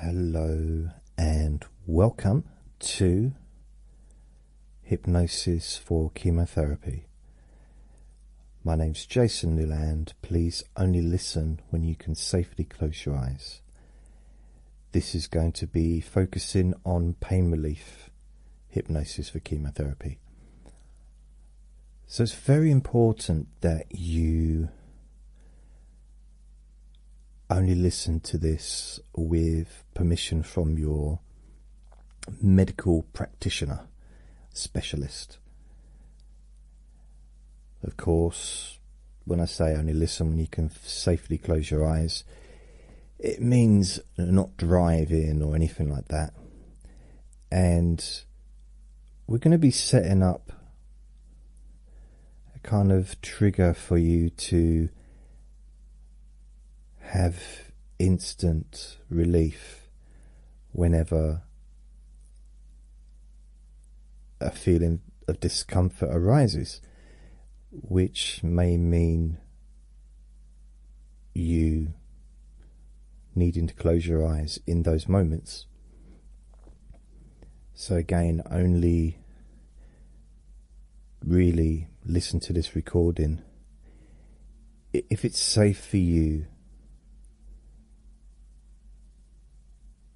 Hello and welcome to Hypnosis for Chemotherapy. My name is Jason Newland. Please only listen when you can safely close your eyes. This is going to be focusing on pain relief hypnosis for chemotherapy. So it's very important that you only listen to this with permission from your medical practitioner specialist. Of course, when I say only listen when you can safely close your eyes, it means not driving or anything like that. And we're going to be setting up a kind of trigger for you to have instant relief whenever a feeling of discomfort arises, which may mean you needing to close your eyes in those moments. So, again, only really listen to this recording if it's safe for you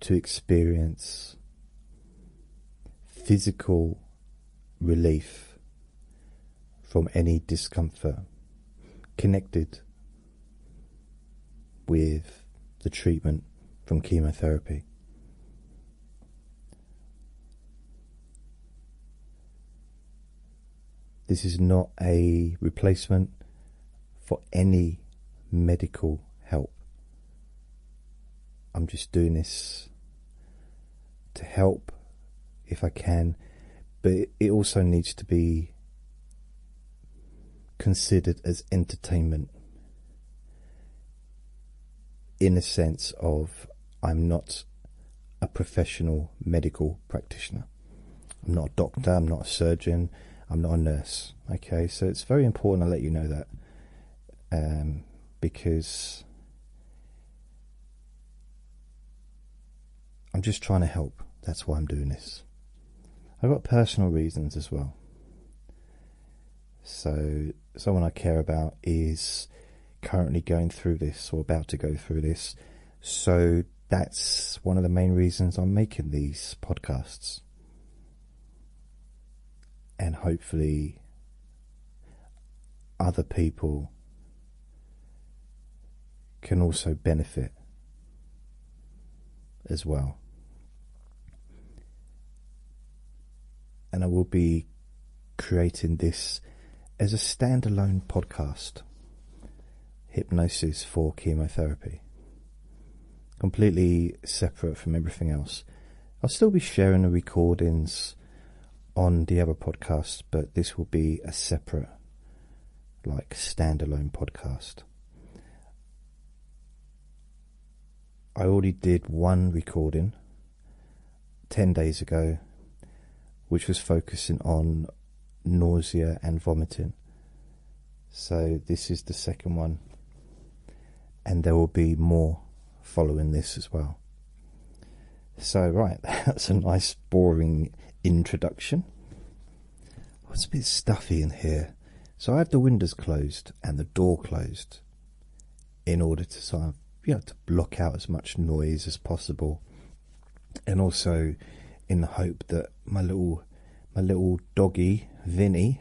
to experience physical relief from any discomfort connected with the treatment from chemotherapy. This is not a replacement for any medical help. I'm just doing this to help if I can, but it also needs to be considered as entertainment in a sense of I'm not a professional medical practitioner. I'm not a doctor, I'm not a surgeon, I'm not a nurse. Okay, so it's very important I let you know that um, because I'm just trying to help. That's why I'm doing this. I've got personal reasons as well. So, someone I care about is currently going through this or about to go through this. So, that's one of the main reasons I'm making these podcasts. And hopefully, other people can also benefit as well. And I will be creating this as a standalone podcast Hypnosis for Chemotherapy. Completely separate from everything else. I'll still be sharing the recordings on the other podcast, but this will be a separate, like, standalone podcast. I already did one recording 10 days ago, which was focusing on nausea and vomiting. So, this is the second one, and there will be more following this as well. So, right, that's a nice, boring introduction. it's a bit stuffy in here. So, I have the windows closed and the door closed in order to sort of, you to block out as much noise as possible and also in the hope that my little my little doggy Vinny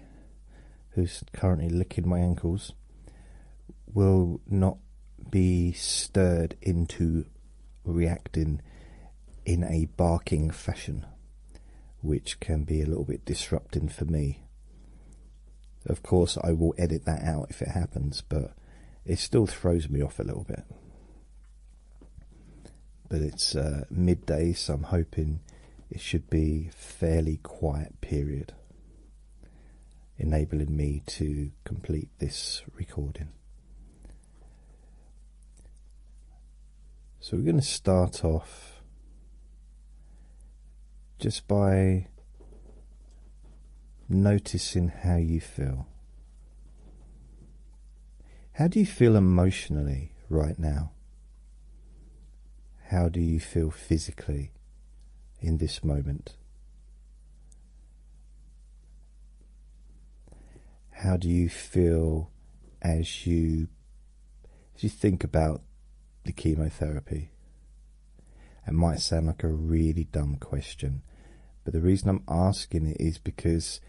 who's currently licking my ankles will not be stirred into reacting in a barking fashion which can be a little bit disrupting for me. Of course, I will edit that out if it happens, but it still throws me off a little bit. But it's uh, midday, so I'm hoping it should be fairly quiet period, enabling me to complete this recording. So we're going to start off just by noticing how you feel. How do you feel emotionally right now? How do you feel physically in this moment? How do you feel as you if you think about the chemotherapy, it might sound like a really dumb question, but the reason I'm asking it is because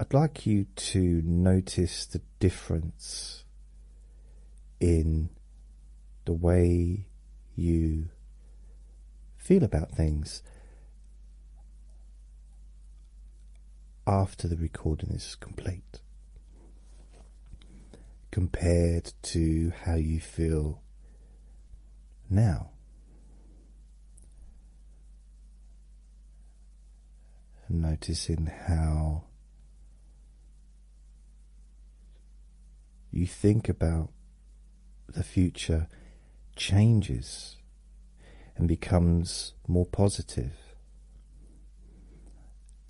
I'd like you to notice the difference in the way you feel about things after the recording is complete compared to how you feel now. Noticing how you think about the future changes and becomes more positive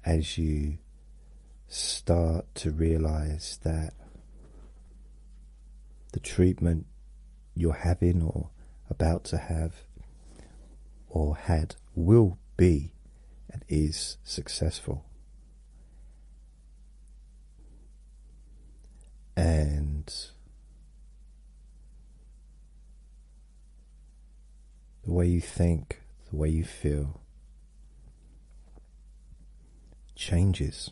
as you start to realize that the treatment you're having or about to have or had will be and is successful. And the way you think, the way you feel changes.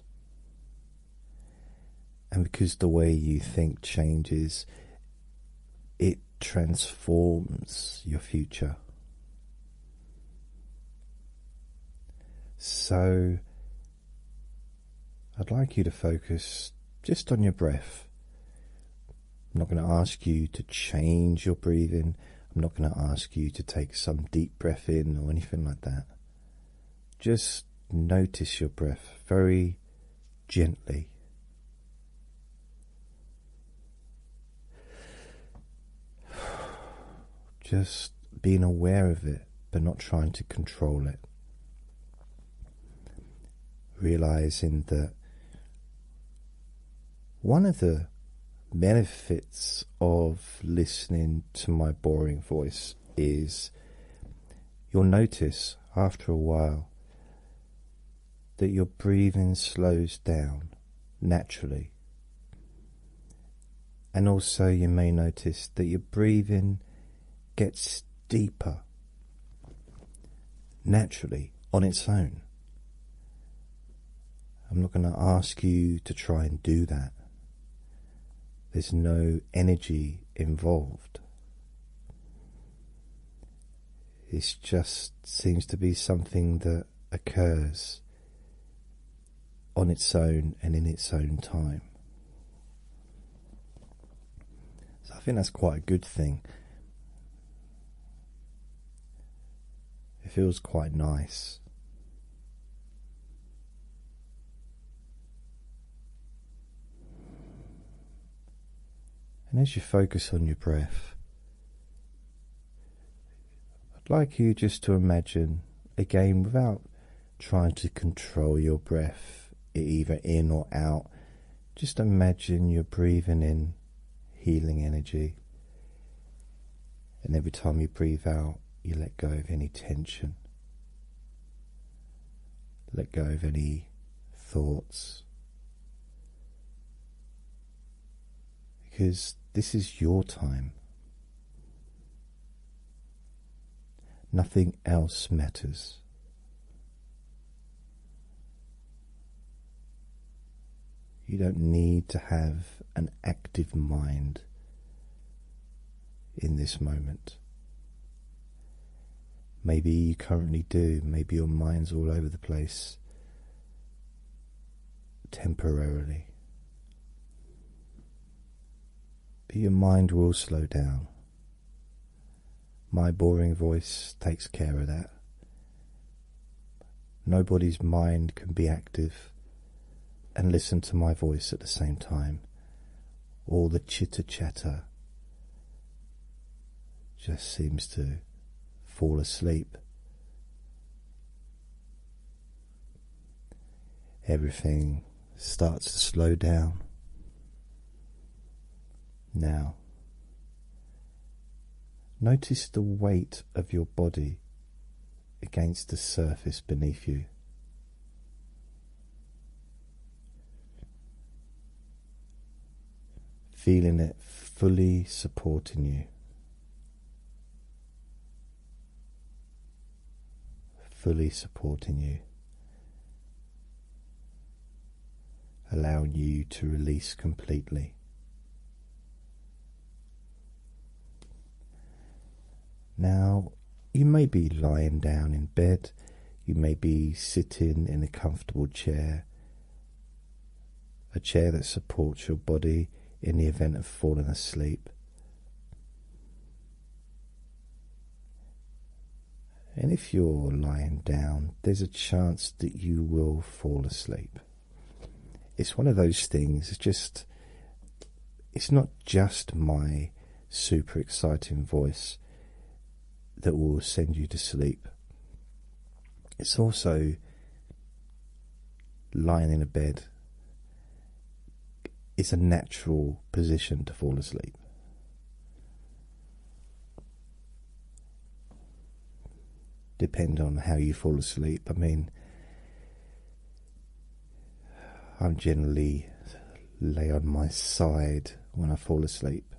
And because the way you think changes, it transforms your future. So, I'd like you to focus just on your breath. I'm not going to ask you to change your breathing. I'm not going to ask you to take some deep breath in or anything like that. Just notice your breath very gently. Just being aware of it, but not trying to control it. Realizing that one of the benefits of listening to my boring voice is you'll notice after a while that your breathing slows down naturally. And also, you may notice that your breathing gets deeper naturally on its own. I'm not going to ask you to try and do that. There's no energy involved. It just seems to be something that occurs on its own and in its own time. So I think that's quite a good thing. It feels quite nice. And as you focus on your breath, I'd like you just to imagine again without trying to control your breath, either in or out. Just imagine you're breathing in healing energy. And every time you breathe out, you let go of any tension, let go of any thoughts. Because this is your time. Nothing else matters. You don't need to have an active mind in this moment. Maybe you currently do, maybe your mind's all over the place temporarily. But your mind will slow down. My boring voice takes care of that. Nobody's mind can be active and listen to my voice at the same time. All the chitter chatter just seems to fall asleep. Everything starts to slow down. Now Notice the weight of your body against the surface beneath you. Feeling it fully supporting you, fully supporting you, allowing you to release completely. Now, you may be lying down in bed, you may be sitting in a comfortable chair, a chair that supports your body in the event of falling asleep. And if you're lying down, there's a chance that you will fall asleep it's one of those things it's just it's not just my super exciting voice that will send you to sleep it's also lying in a bed it's a natural position to fall asleep depend on how you fall asleep. I mean, I'm generally lay on my side when I fall asleep.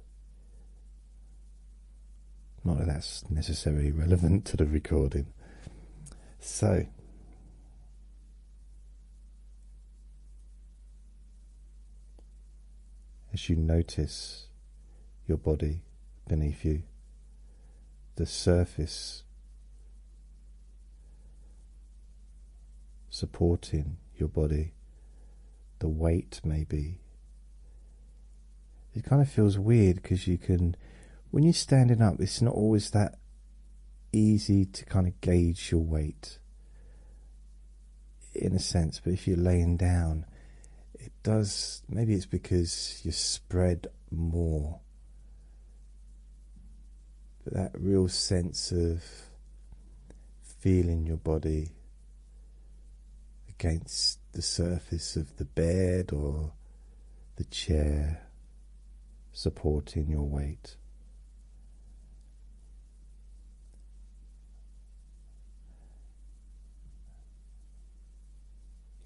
Not that that's necessarily relevant to the recording. So, as you notice your body beneath you, the surface, supporting your body, the weight maybe. It kind of feels weird because you can, when you're standing up, it's not always that easy to kind of gauge your weight in a sense, but if you're laying down, it does. Maybe it's because you're spread more. But that real sense of feeling your body against the surface of the bed or the chair supporting your weight.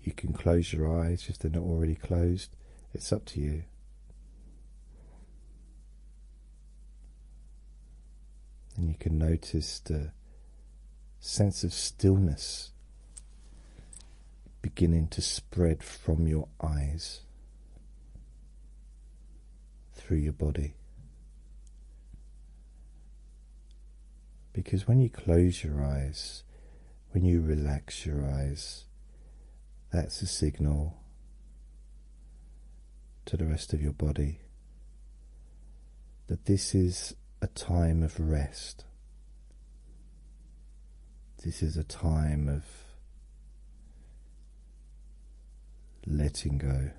You can close your eyes if they're not already closed, it's up to you. And you can notice the sense of stillness beginning to spread from your eyes through your body. Because when you close your eyes, when you relax your eyes, that's a signal to the rest of your body that this is a time of rest. This is a time of letting go.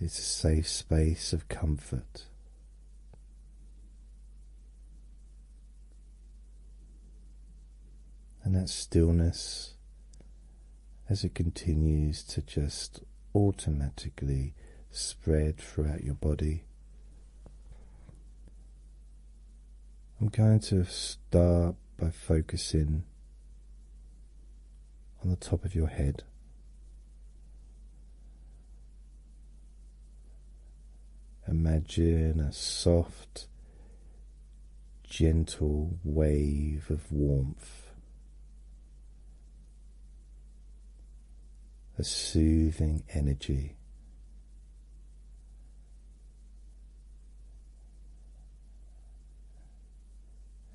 It's a safe space of comfort. And that stillness, as it continues to just automatically spread throughout your body, I'm going to start by focusing on the top of your head. Imagine a soft, gentle wave of warmth, a soothing energy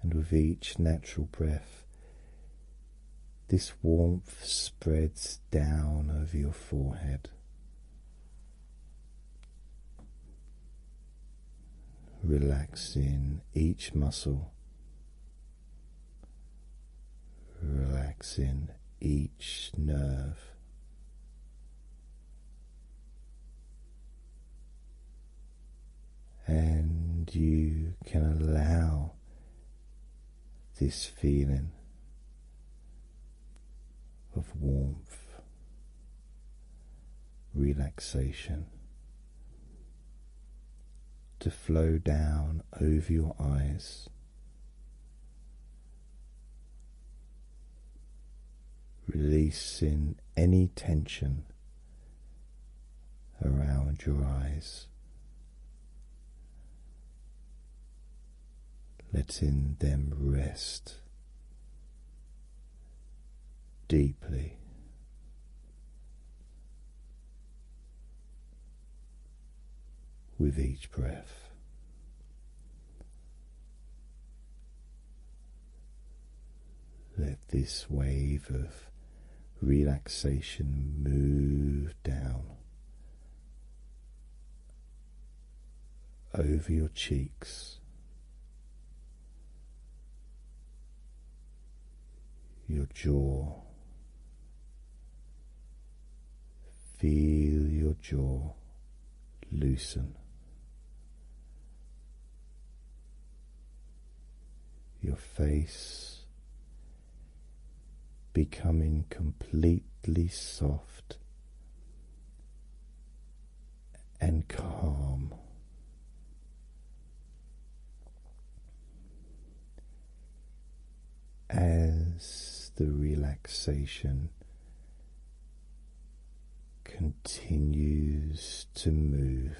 and with each natural breath, this warmth spreads down over your forehead. Relaxing each muscle, relaxing each nerve and you can allow this feeling of warmth, relaxation to flow down over your eyes. Releasing any tension around your eyes, let's in them rest deeply. With each breath, let this wave of relaxation move down over your cheeks, your jaw. Feel your jaw loosen your face becoming completely soft and calm. As the relaxation continues to move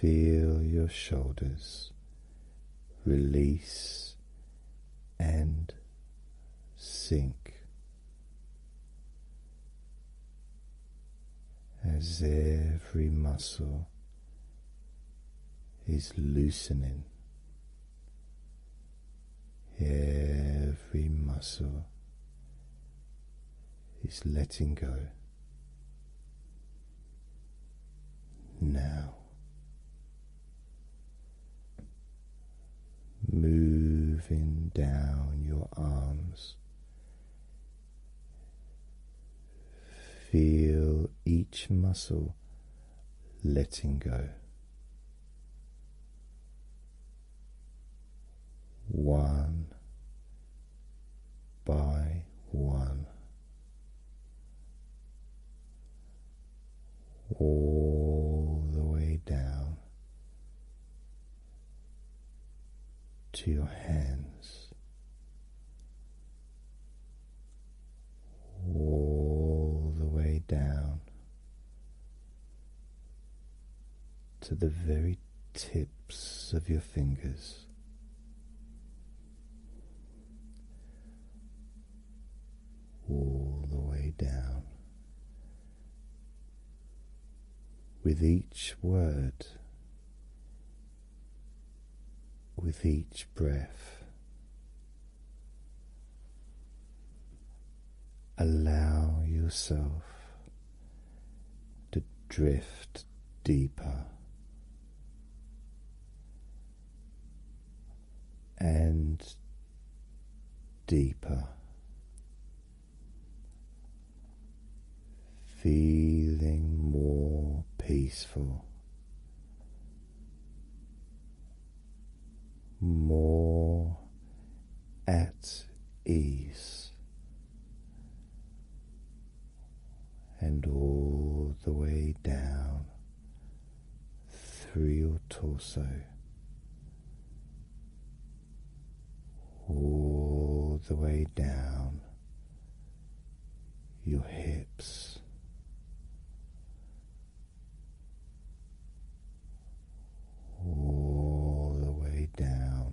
Feel your shoulders release and sink as every muscle is loosening, every muscle is letting go now. Moving down your arms, feel each muscle letting go one by one, all the way down to your hands. All the way down to the very tips of your fingers. All the way down. With each word, with each breath, allow yourself to drift deeper. And deeper, feeling more peaceful, more at ease and all the way down through your torso, all the way down your hips. All the way down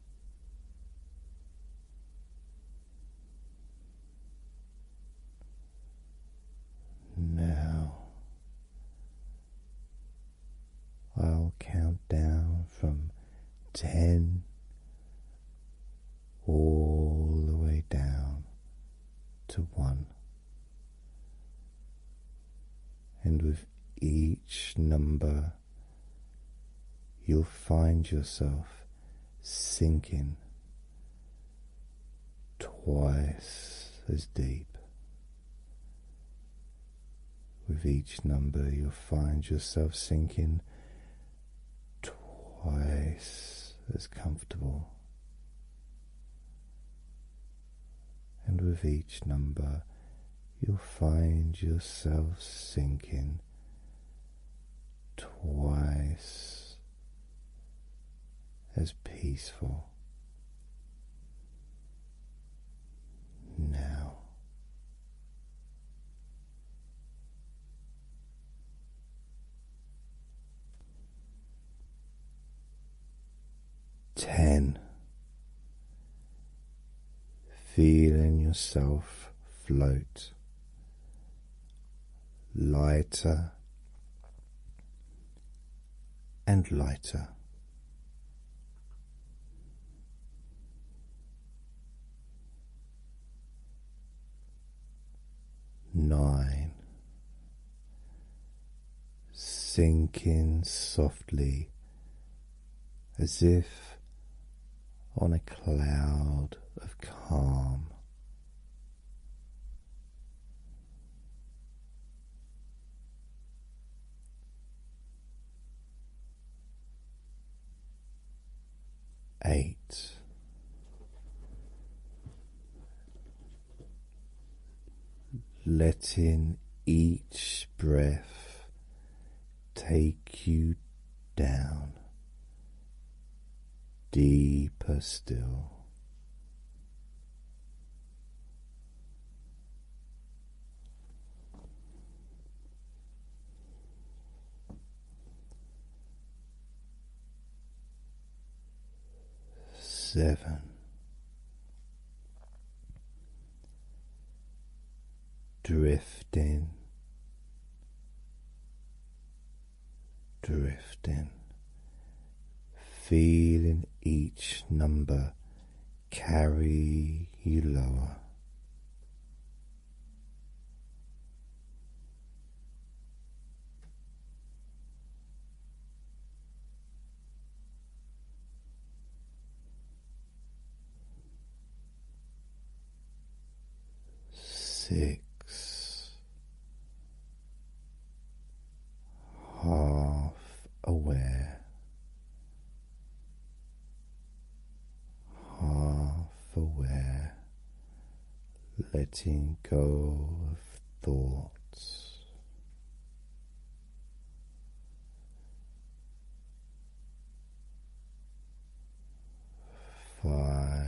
Now I'll count down from ten all the way down to one, and with each number you'll find yourself sinking twice as deep. With each number, you'll find yourself sinking twice as comfortable. And with each number, you'll find yourself sinking twice as peaceful now. Ten feeling yourself float lighter and lighter. Nine, sinking softly as if on a cloud of calm. Eight. Letting each breath take you down deeper still. Seven, drifting, drifting, feeling each number carry you lower six, half aware, half aware, letting go of thoughts five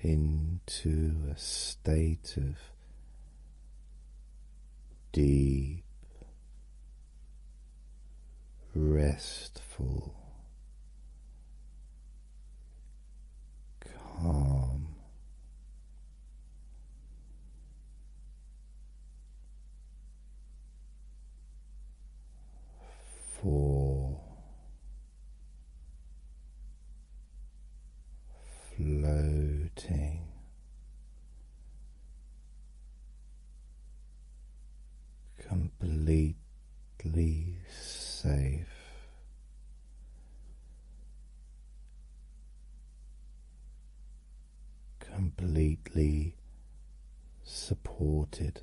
into a state of deep restful calm Four floating completely safe completely supported.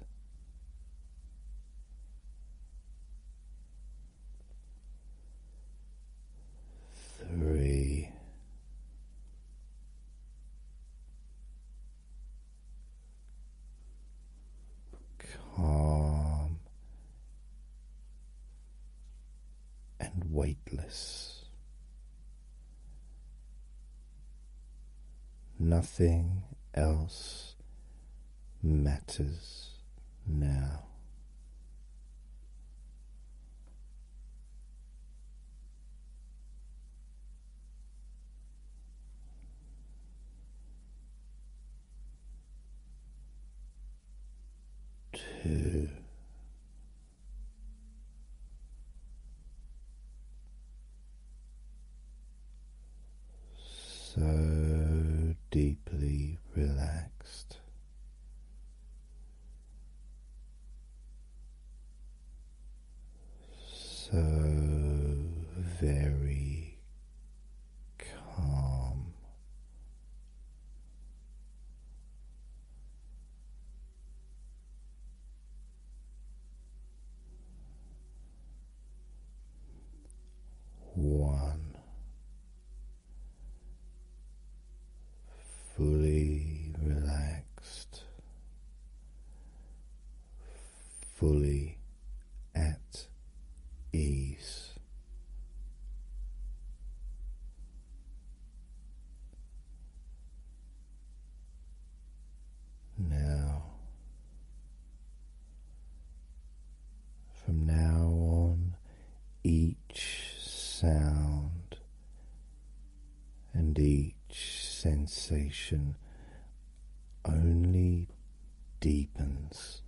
Three. Calm and weightless. Nothing else matters now. Two so deeply relaxed. So very calm, one fully relaxed, fully at ease. Now, from now on, each sound and each sensation only deepens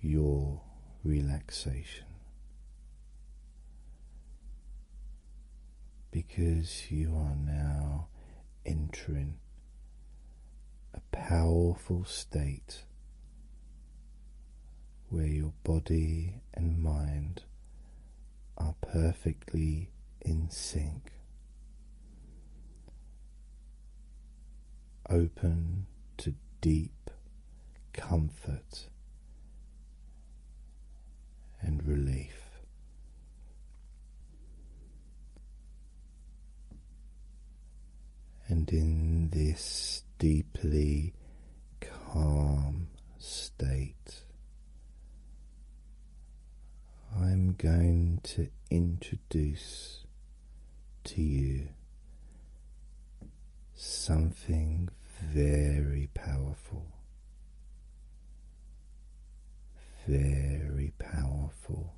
your relaxation because you are now entering a powerful state where your body and mind are perfectly in sync. Open to deep comfort and relief. And in this deeply calm state, I'm going to introduce to you something very powerful very powerful.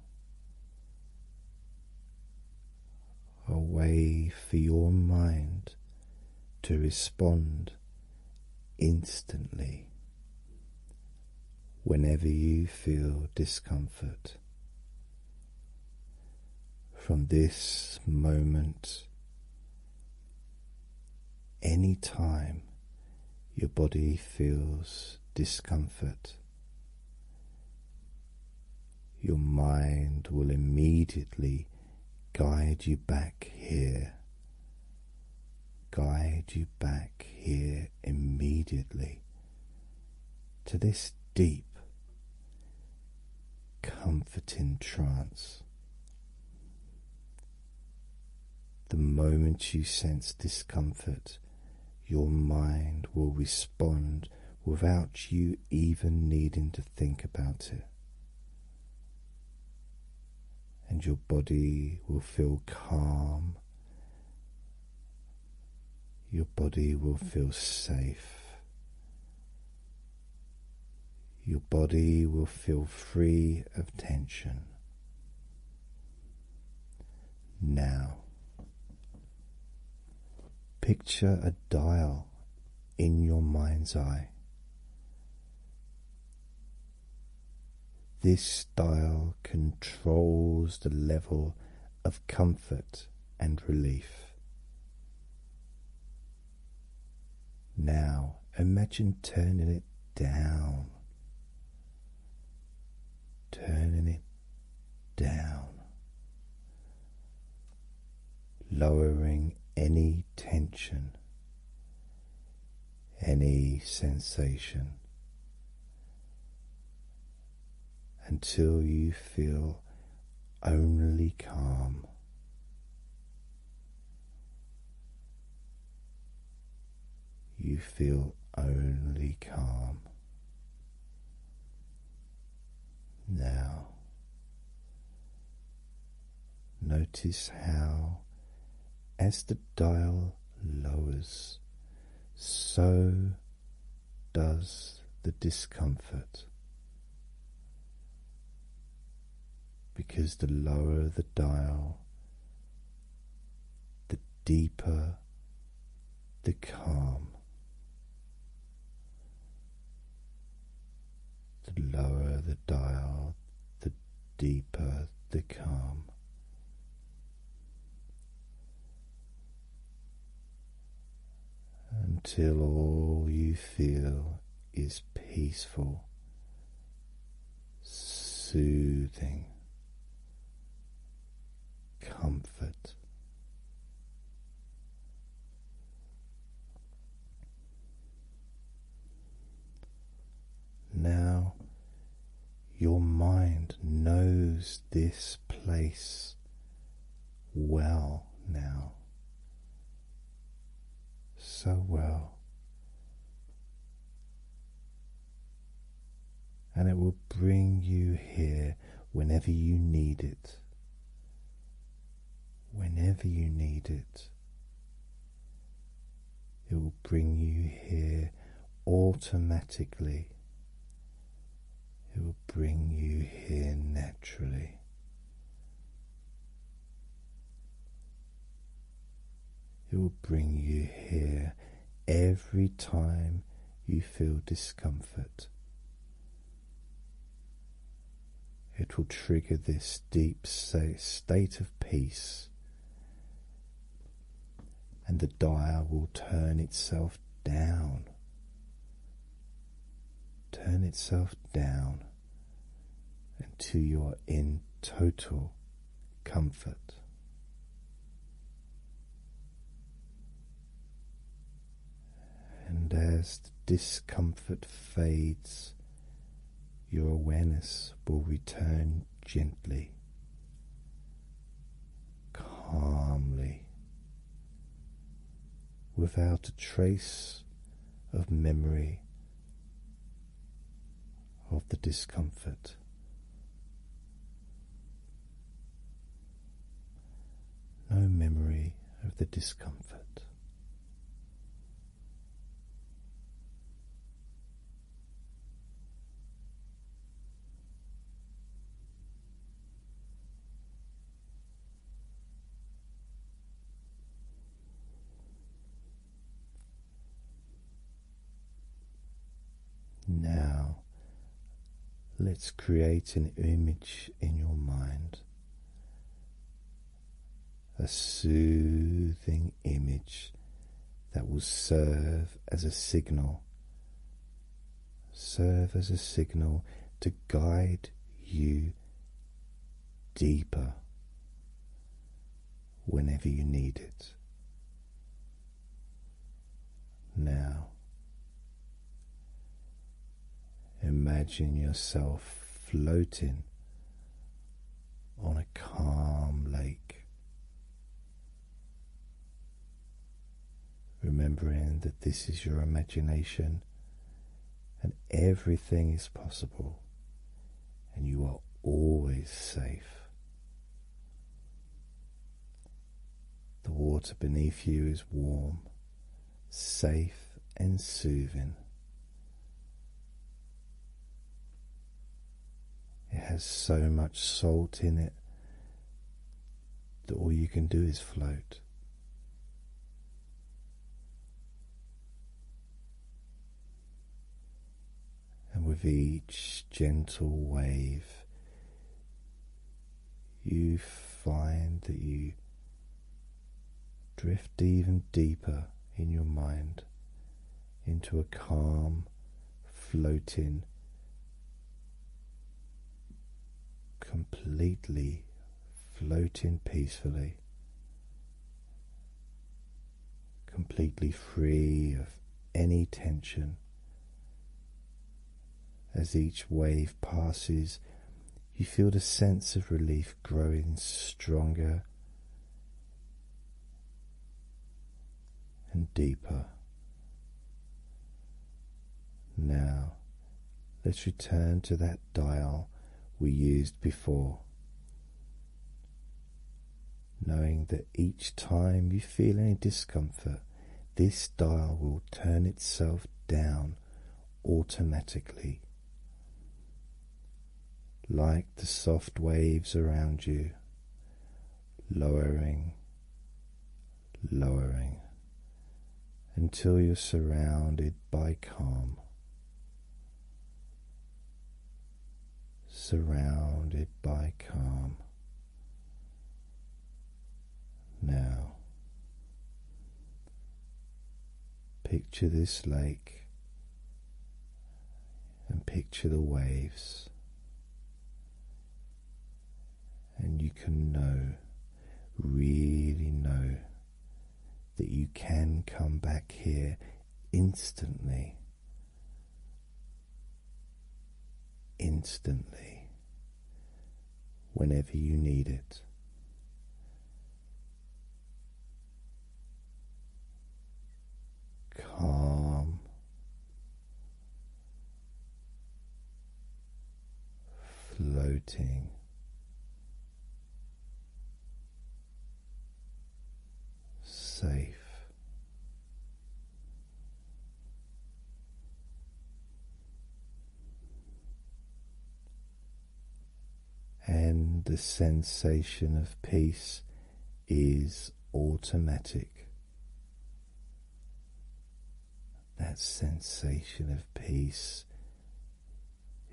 A way for your mind to respond instantly whenever you feel discomfort. From this moment any time your body feels discomfort, your mind will immediately guide you back here, guide you back here immediately to this deep, comforting trance. The moment you sense discomfort, your mind will respond without you even needing to think about it. And your body will feel calm, your body will feel safe, your body will feel free of tension. Now, picture a dial in your mind's eye. This dial controls the level of comfort and relief. Now imagine turning it down, turning it down, lowering any tension, any sensation until you feel only calm you feel only calm. Now, notice how, as the dial lowers, so does the discomfort because the lower the dial, the deeper the calm. The lower the dial, the deeper the calm. Until all you feel is peaceful soothing comfort. Now your mind knows this place well now, so well and it will bring you here whenever you need it. Whenever you need it, it will bring you here automatically. It will bring you here naturally. It will bring you here every time you feel discomfort. It will trigger this deep state of peace, and the dial will turn itself down. Turn itself down until you are in total comfort. And as discomfort fades, your awareness will return gently, calmly, without a trace of memory of the discomfort. No memory of the discomfort. Now, let's create an image in your mind, a soothing image that will serve as a signal, serve as a signal to guide you deeper whenever you need it. Now, imagine yourself floating on a calm lake, remembering that this is your imagination and everything is possible, and you are always safe. The water beneath you is warm, safe, and soothing. It has so much salt in it that all you can do is float. And with each gentle wave, you find that you drift even deeper in your mind into a calm, floating, completely floating peacefully completely free of any tension. As each wave passes, you feel the sense of relief growing stronger and deeper. Now, let's return to that dial we used before knowing that each time you feel any discomfort, this dial will turn itself down automatically. Like the soft waves around you, lowering, lowering until you're surrounded by calm surrounded by calm. Now, picture this lake and picture the waves, and you can know, really know, that you can come back here instantly instantly whenever you need it. Calm, floating safe. And the sensation of peace is automatic. That sensation of peace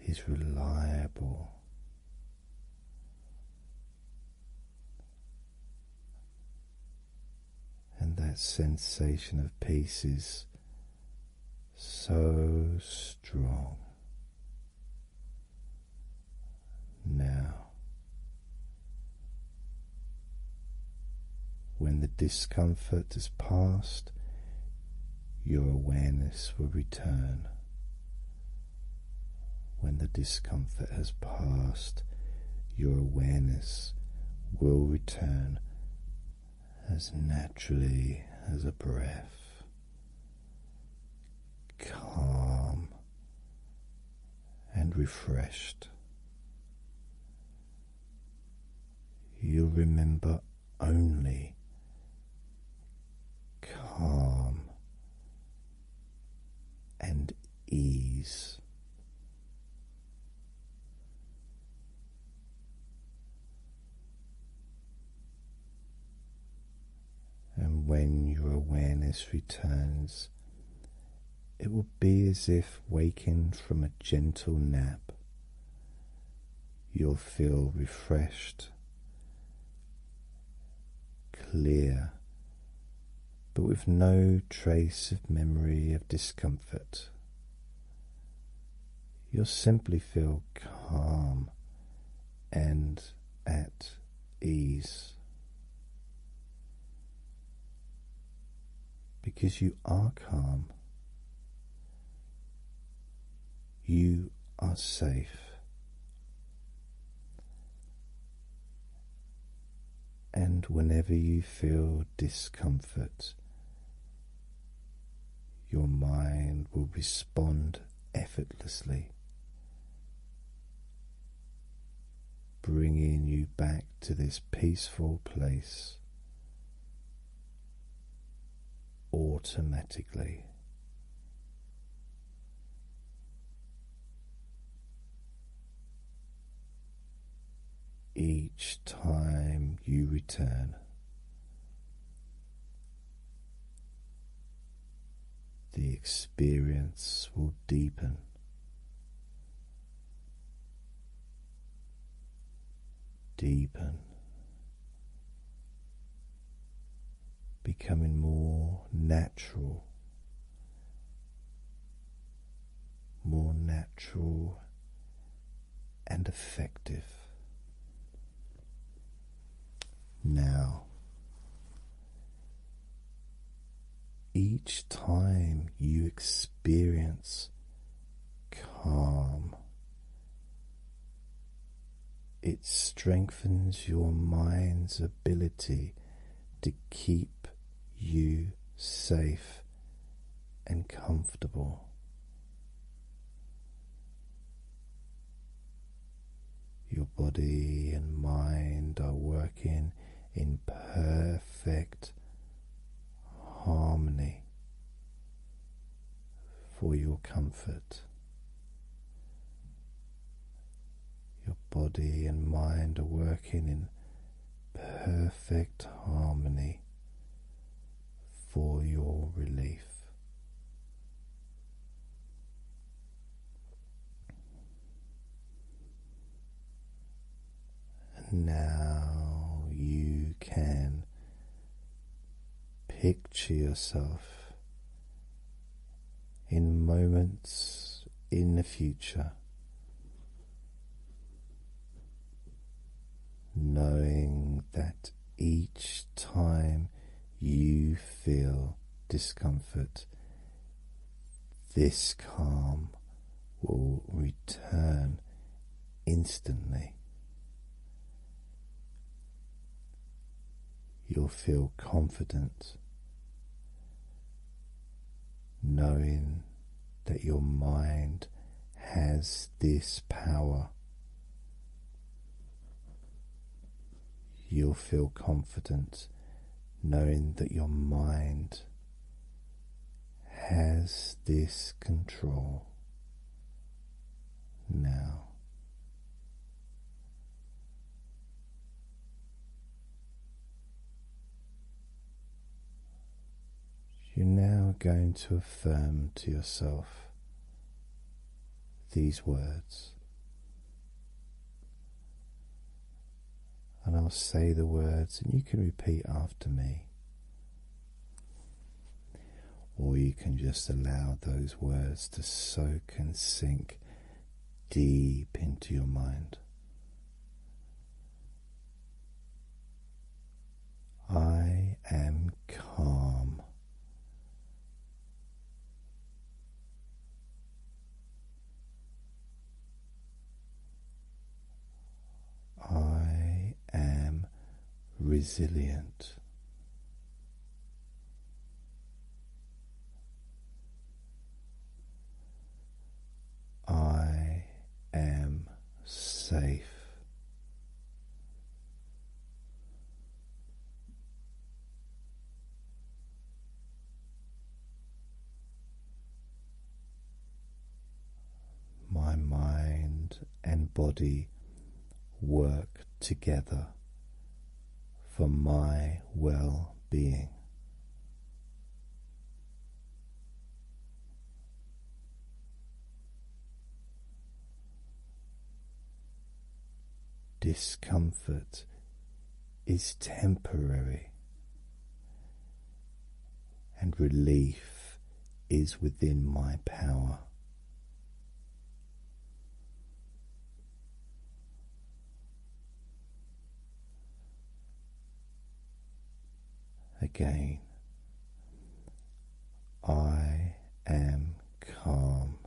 is reliable, and that sensation of peace is so strong now. When the discomfort is past, your awareness will return when the discomfort has passed, your awareness will return as naturally as a breath, calm and refreshed. You'll remember only calm and ease. And when your awareness returns, it will be as if waking from a gentle nap. You'll feel refreshed, clear, but with no trace of memory of discomfort. You'll simply feel calm and at ease because you are calm, you are safe and whenever you feel discomfort, your mind will respond effortlessly, bringing you back to this peaceful place automatically. Each time you return, the experience will deepen. Deepen, becoming more natural more natural and effective. Now, each time you experience calm, it strengthens your mind's ability to keep you safe and comfortable. Your body and mind are working in perfect harmony for your comfort. Your body and mind are working in perfect harmony for your relief. And now you can picture yourself in moments in the future, knowing that each time you feel discomfort, this calm will return instantly. You'll feel confident knowing that your mind has this power. You'll feel confident knowing that your mind has this control now. You're now going to affirm to yourself these words, and I'll say the words, and you can repeat after me, or you can just allow those words to soak and sink deep into your mind. I am calm. I am resilient. I am safe. My mind and body work together for my well being. Discomfort is temporary, and relief is within my power. Again, I am calm.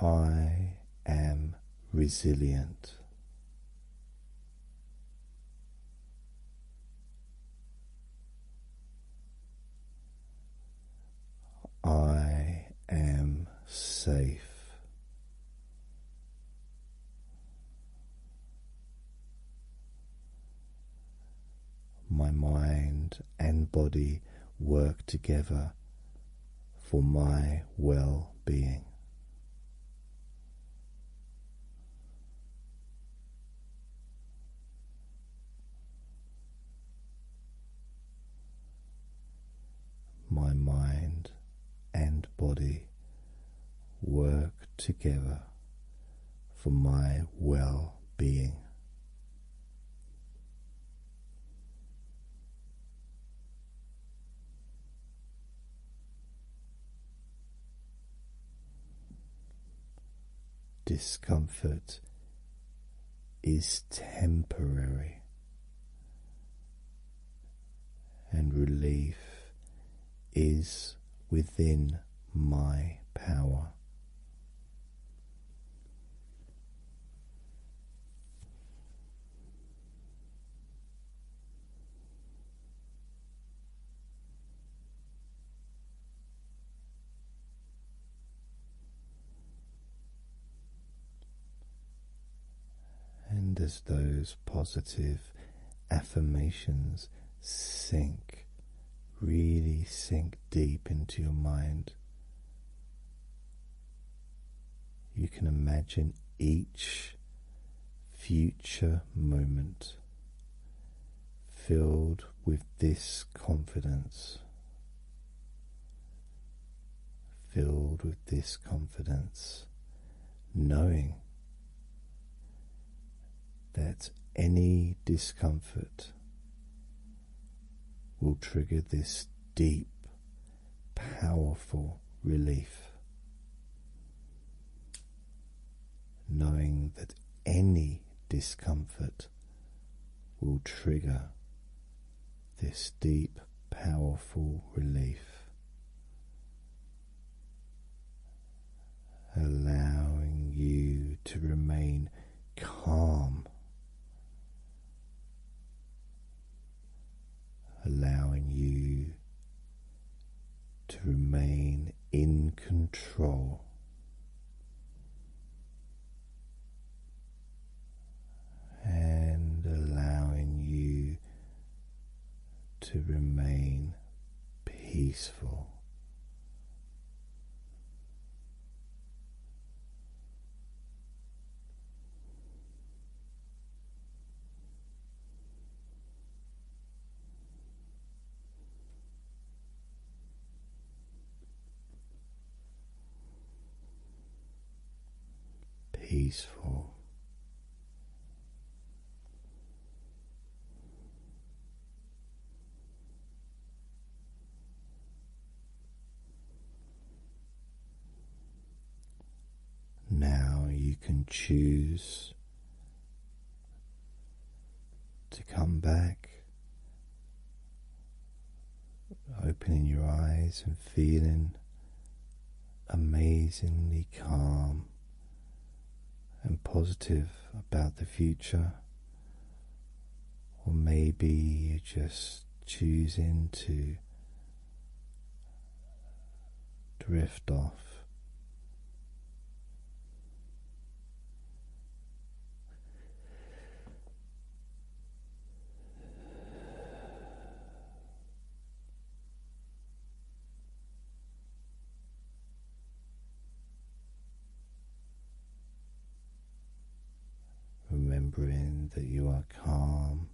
I am resilient. I am safe. My mind and body work together for my well being. My mind and body work together for my well being. Discomfort is temporary, and relief is within my power. And as those positive affirmations sink, really sink deep into your mind, you can imagine each future moment filled with this confidence filled with this confidence, knowing that any discomfort will trigger this deep, powerful relief. Knowing that any discomfort will trigger this deep, powerful relief. Allowing you to remain calm, allowing you to remain in control and allowing you to remain peaceful peaceful. Now you can choose to come back Opening your eyes and feeling amazingly calm and positive about the future, or maybe you just choosing to drift off. Remembering that you are calm,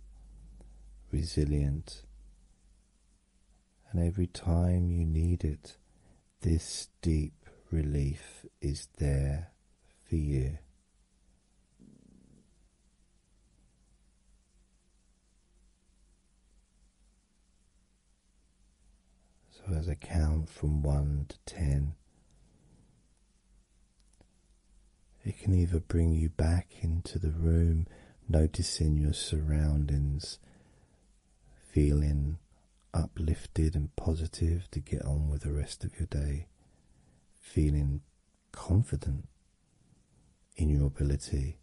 resilient, and every time you need it, this deep relief is there for you. So, as I count from one to ten, it can either bring you back into the room, noticing your surroundings, feeling uplifted and positive to get on with the rest of your day feeling confident in your ability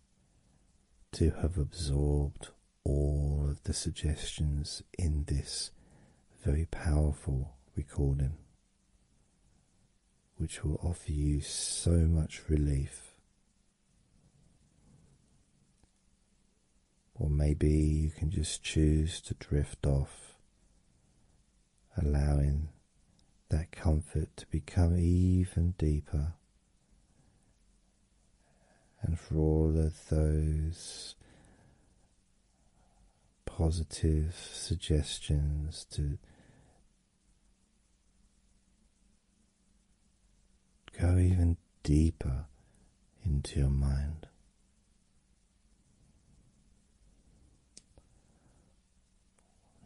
to have absorbed all of the suggestions in this very powerful recording, which will offer you so much relief. Or maybe you can just choose to drift off allowing that comfort to become even deeper. And for all of those positive suggestions to go even deeper into your mind.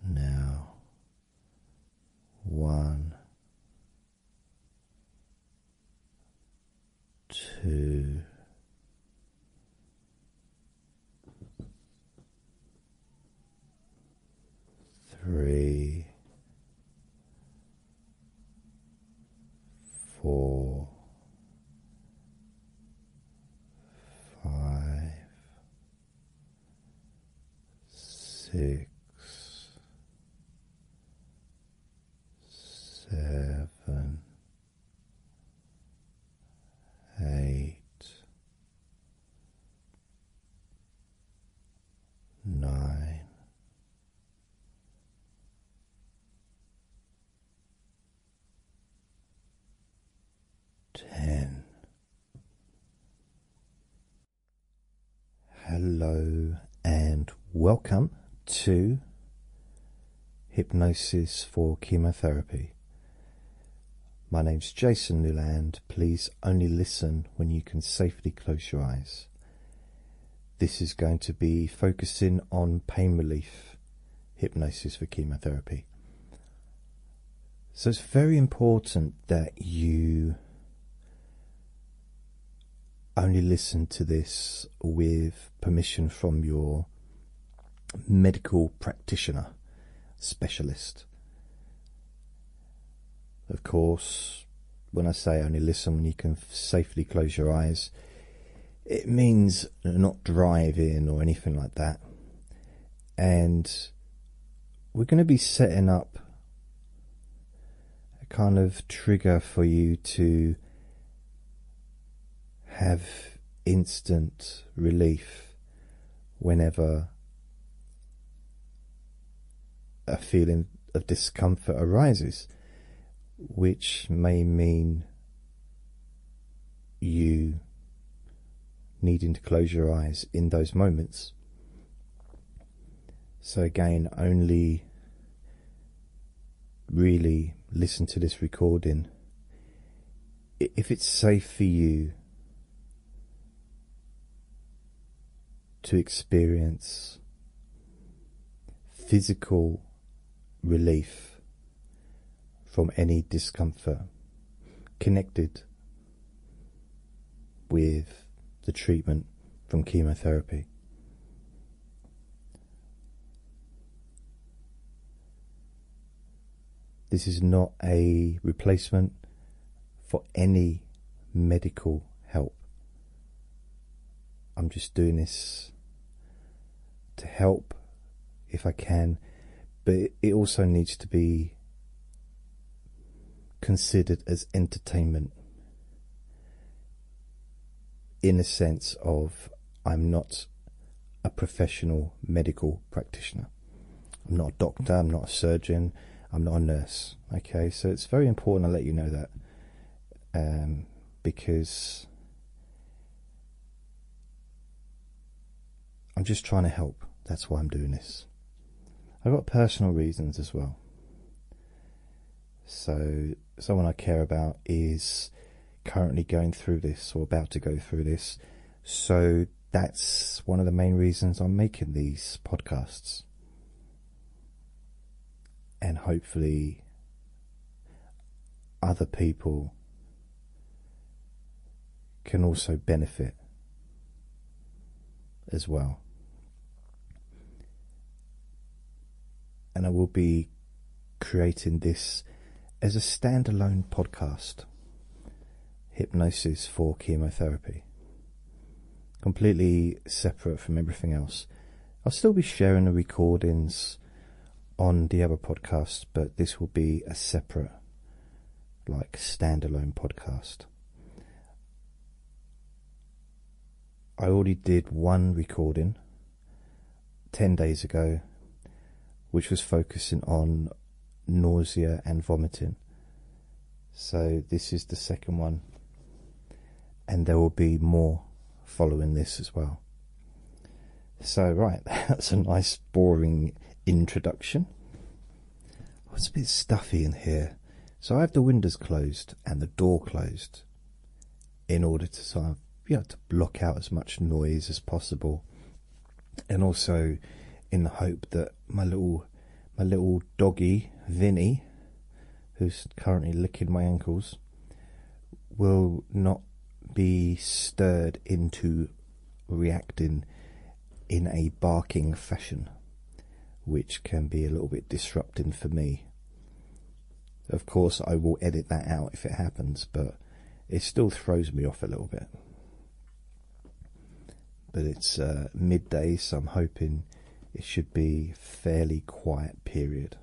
Now, one, two, three, four five, six, seven, eight, nine ten. Hello and welcome to Hypnosis for Chemotherapy. My name's Jason Newland. Please only listen when you can safely close your eyes. This is going to be focusing on pain relief hypnosis for chemotherapy. So it's very important that you only listen to this with permission from your medical practitioner specialist. Of course, when I say only listen, when you can safely close your eyes, it means not driving or anything like that. And we're going to be setting up a kind of trigger for you to have instant relief whenever a feeling of discomfort arises, which may mean you needing to close your eyes in those moments. So, again, only really listen to this recording if it's safe for you to experience physical relief from any discomfort connected with the treatment from chemotherapy. This is not a replacement for any medical help. I'm just doing this to help if I can, but it also needs to be considered as entertainment in a sense of I'm not a professional medical practitioner. I'm not a doctor, I'm not a surgeon, I'm not a nurse. Okay, so it's very important I let you know that um, because I'm just trying to help. That's why I'm doing this. I've got personal reasons as well. So, someone I care about is currently going through this or about to go through this. So, that's one of the main reasons I'm making these podcasts. And hopefully, other people can also benefit as well. And I will be creating this as a standalone podcast Hypnosis for Chemotherapy. Completely separate from everything else. I'll still be sharing the recordings on the other podcasts, but this will be a separate, like, standalone podcast. I already did one recording 10 days ago, which was focusing on nausea and vomiting. So, this is the second one, and there will be more following this as well. So, right, that's a nice, boring introduction. it's a bit stuffy in here. So, I have the windows closed and the door closed in order to sort of, you know, to block out as much noise as possible. And also in the hope that my little my little doggy, Vinny, who's currently licking my ankles, will not be stirred into reacting in a barking fashion, which can be a little bit disrupting for me. Of course, I will edit that out if it happens, but it still throws me off a little bit. But it's uh, midday, so I'm hoping it should be fairly quiet period,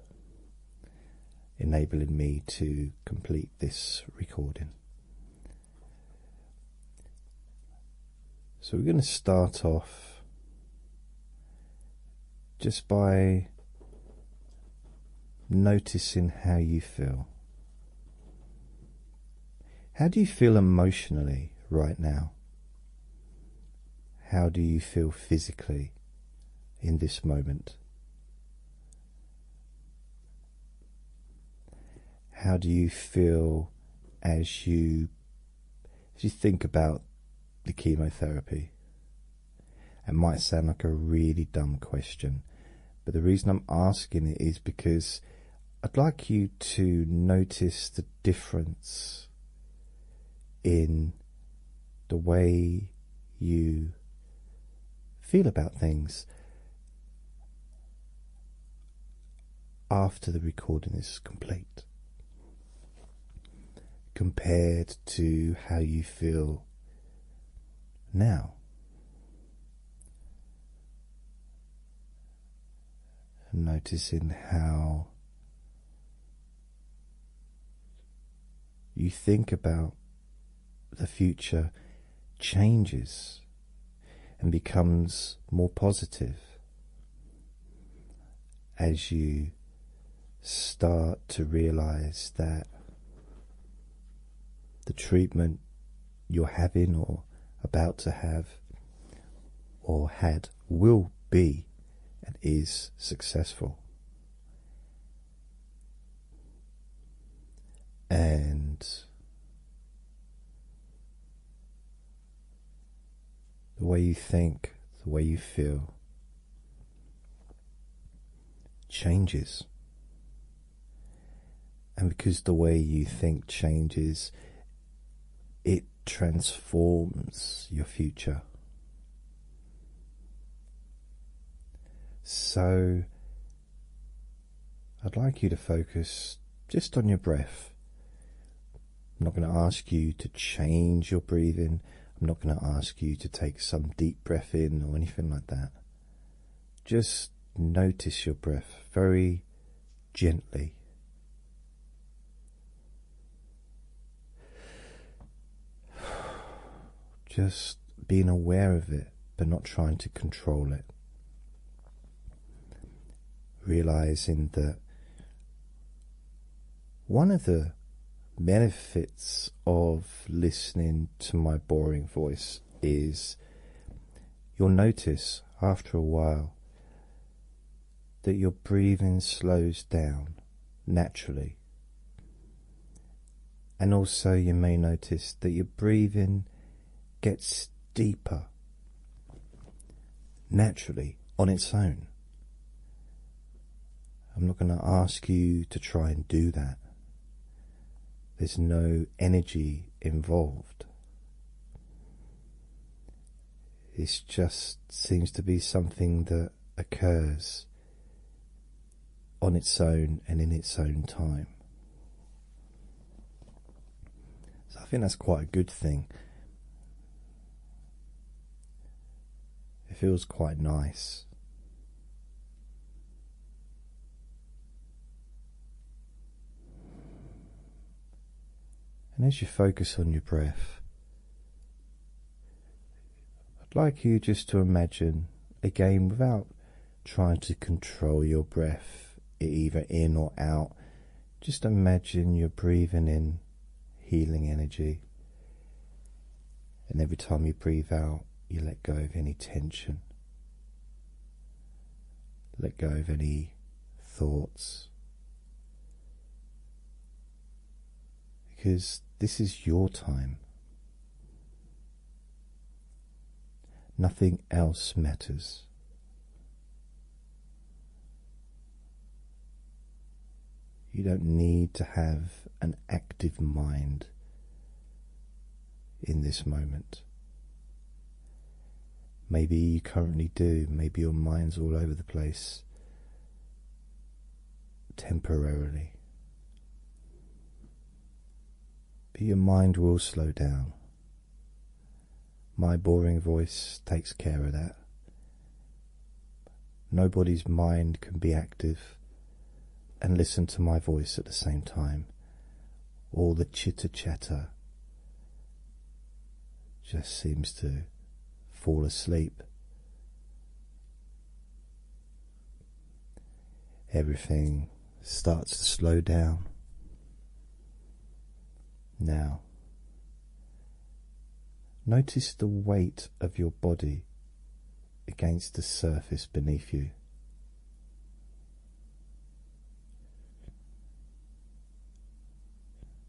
enabling me to complete this recording. So we're going to start off just by noticing how you feel. How do you feel emotionally right now? How do you feel physically in this moment? How do you feel as you as you think about the chemotherapy? It might sound like a really dumb question, but the reason I'm asking it is because I'd like you to notice the difference in the way you feel about things after the recording is complete compared to how you feel now. Noticing how you think about the future changes and becomes more positive as you start to realize that the treatment you're having or about to have or had will be and is successful and the way you think, the way you feel changes. And because the way you think changes, it transforms your future. So I'd like you to focus just on your breath. I'm not going to ask you to change your breathing. I'm not going to ask you to take some deep breath in or anything like that. Just notice your breath very gently. Just being aware of it but not trying to control it. Realizing that one of the benefits of listening to my boring voice is you'll notice after a while that your breathing slows down naturally. And also, you may notice that your breathing gets deeper naturally on its own. I'm not going to ask you to try and do that. There's no energy involved. It just seems to be something that occurs on its own and in its own time. So I think that's quite a good thing. It feels quite nice. And as you focus on your breath, I'd like you just to imagine a game without trying to control your breath either in or out. Just imagine you're breathing in healing energy, and every time you breathe out, you let go of any tension, let go of any thoughts. Because this is your time. Nothing else matters. You don't need to have an active mind in this moment. Maybe you currently do, maybe your mind's all over the place temporarily. But your mind will slow down. My boring voice takes care of that. Nobody's mind can be active and listen to my voice at the same time. All the chitter chatter just seems to fall asleep. Everything starts to slow down. Now, notice the weight of your body against the surface beneath you.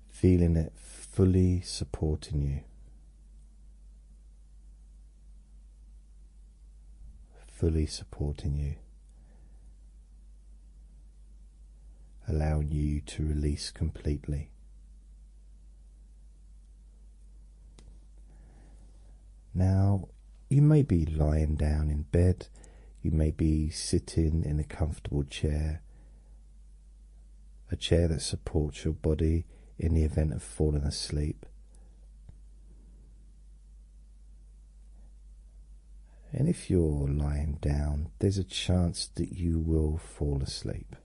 Feeling it fully supporting you fully supporting you, allowing you to release completely. Now, you may be lying down in bed, you may be sitting in a comfortable chair, a chair that supports your body in the event of falling asleep. And if you're lying down, there's a chance that you will fall asleep.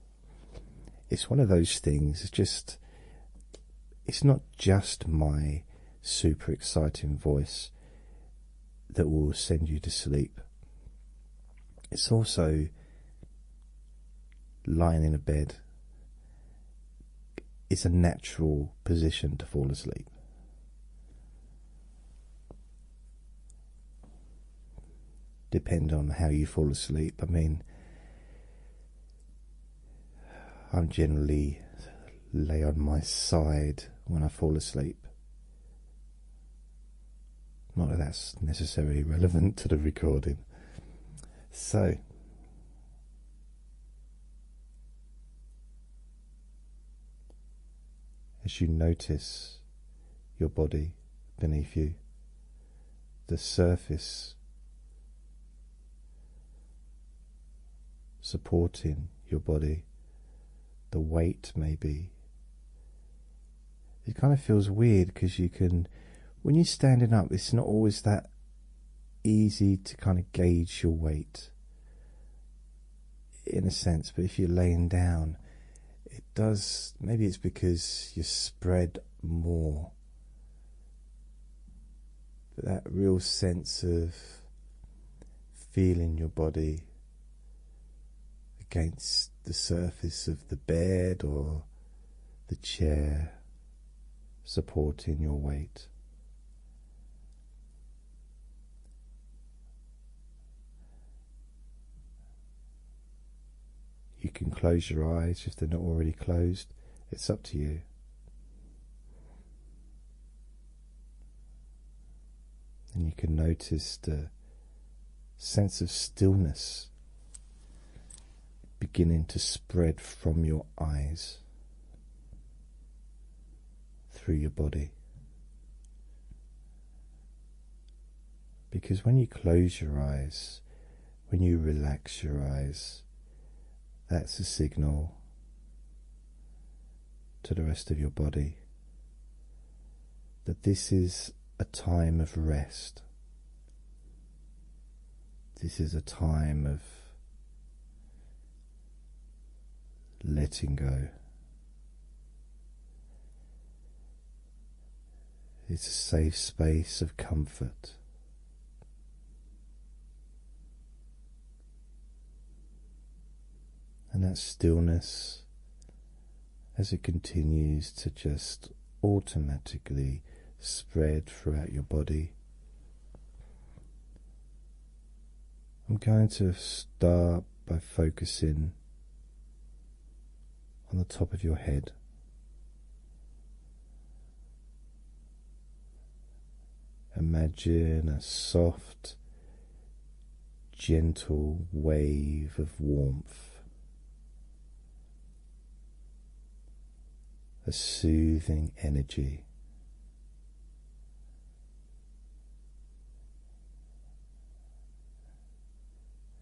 It's one of those things, it's just, it's not just my super exciting voice that will send you to sleep. It's also lying in a bed it's a natural position to fall asleep. Depend on how you fall asleep. I mean, I'm generally lay on my side when I fall asleep. Not that that's necessarily relevant to the recording. So, as you notice your body beneath you, the surface supporting your body, the weight may be. It kind of feels weird because you can, when you're standing up, it's not always that easy to kind of gauge your weight in a sense, but if you're laying down, it does. Maybe it's because you're spread more. But that real sense of feeling your body against the surface of the bed or the chair supporting your weight. You can close your eyes if they're not already closed, it's up to you. And you can notice the sense of stillness beginning to spread from your eyes through your body. Because when you close your eyes, when you relax your eyes, that's a signal to the rest of your body that this is a time of rest. This is a time of letting go. It's a safe space of comfort. And that stillness, as it continues to just automatically spread throughout your body, I'm going to start by focusing on the top of your head. Imagine a soft, gentle wave of warmth, a soothing energy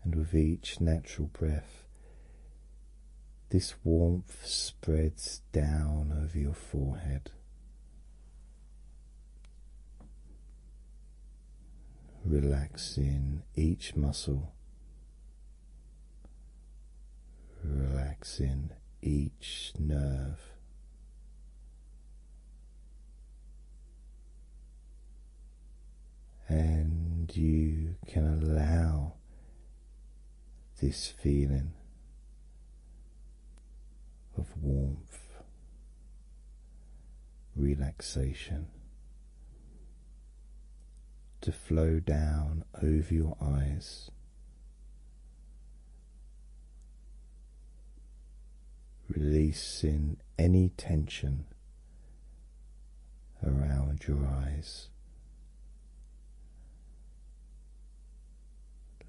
and with each natural breath, this warmth spreads down over your forehead, relaxing each muscle, relaxing each nerve and you can allow this feeling of warmth, relaxation to flow down over your eyes. Releasing any tension around your eyes,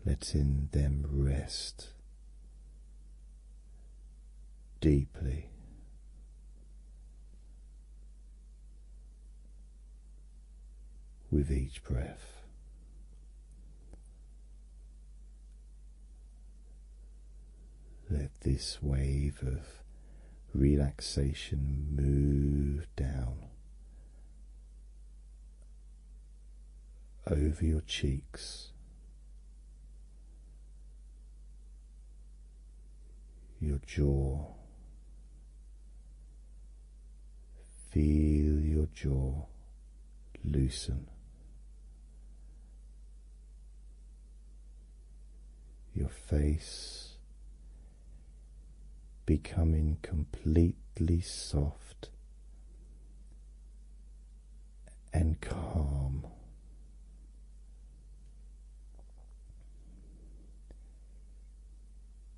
letting them rest deeply. With each breath, let this wave of relaxation move down over your cheeks, your jaw. Feel your jaw loosen your face becoming completely soft and calm.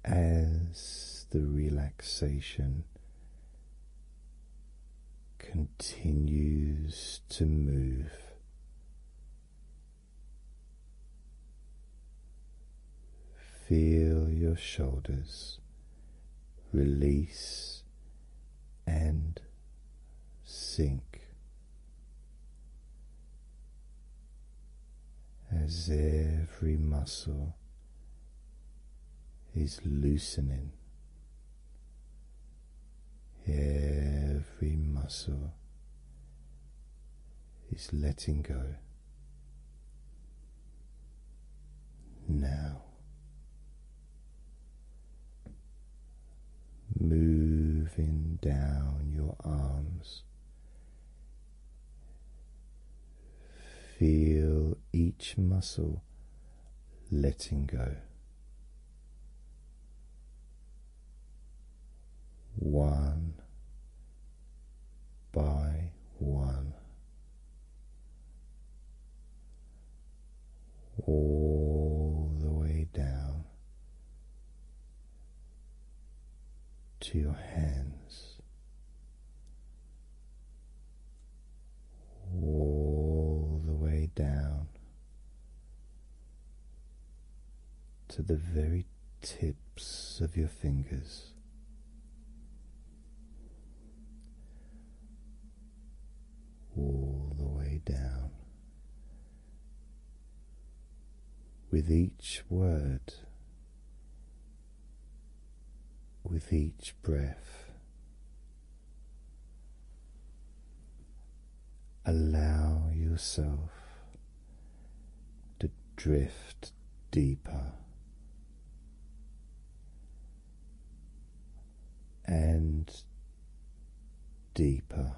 As the relaxation continues to move. Feel your shoulders release and sink as every muscle now is loosening every muscle is letting go now moving down your arms feel each muscle letting go. One by one, all the way down to your hands all the way down to the very tips of your fingers. All the way down. With each word, with each breath, Allow yourself to drift deeper and deeper,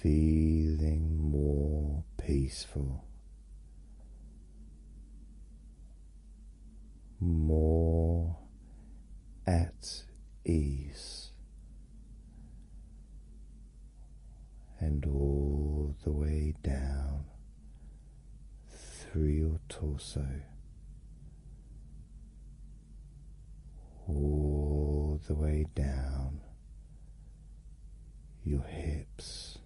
feeling more peaceful more at ease, and all the way down through your torso, all the way down your hips.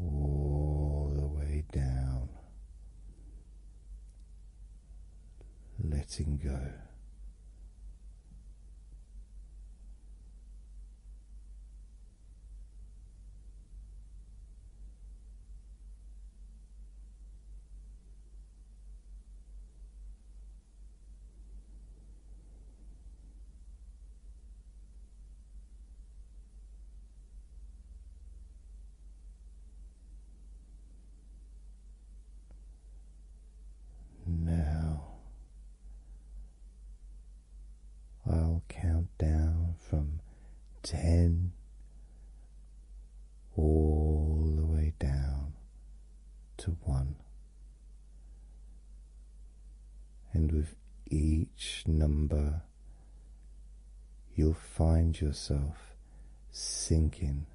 All the way down, letting go. Now I'll count down from ten all the way down to one. And with each number, you'll find yourself sinking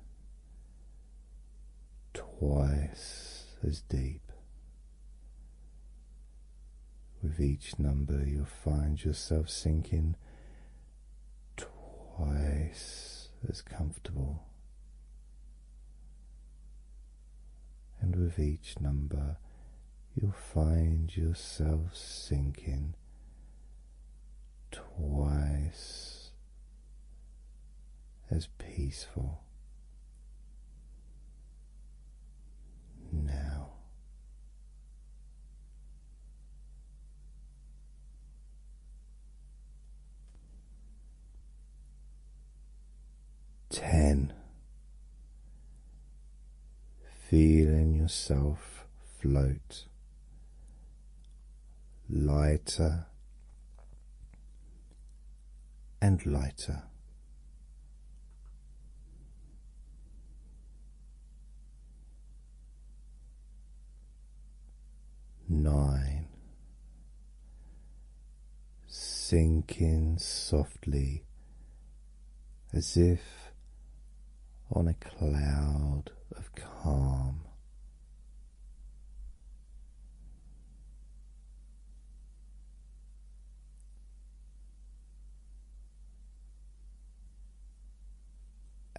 twice as deep. With each number, you'll find yourself sinking twice as comfortable. And with each number, you'll find yourself sinking twice as peaceful. Now ten. Feeling yourself float lighter and lighter. Nine, sinking softly as if on a cloud of calm.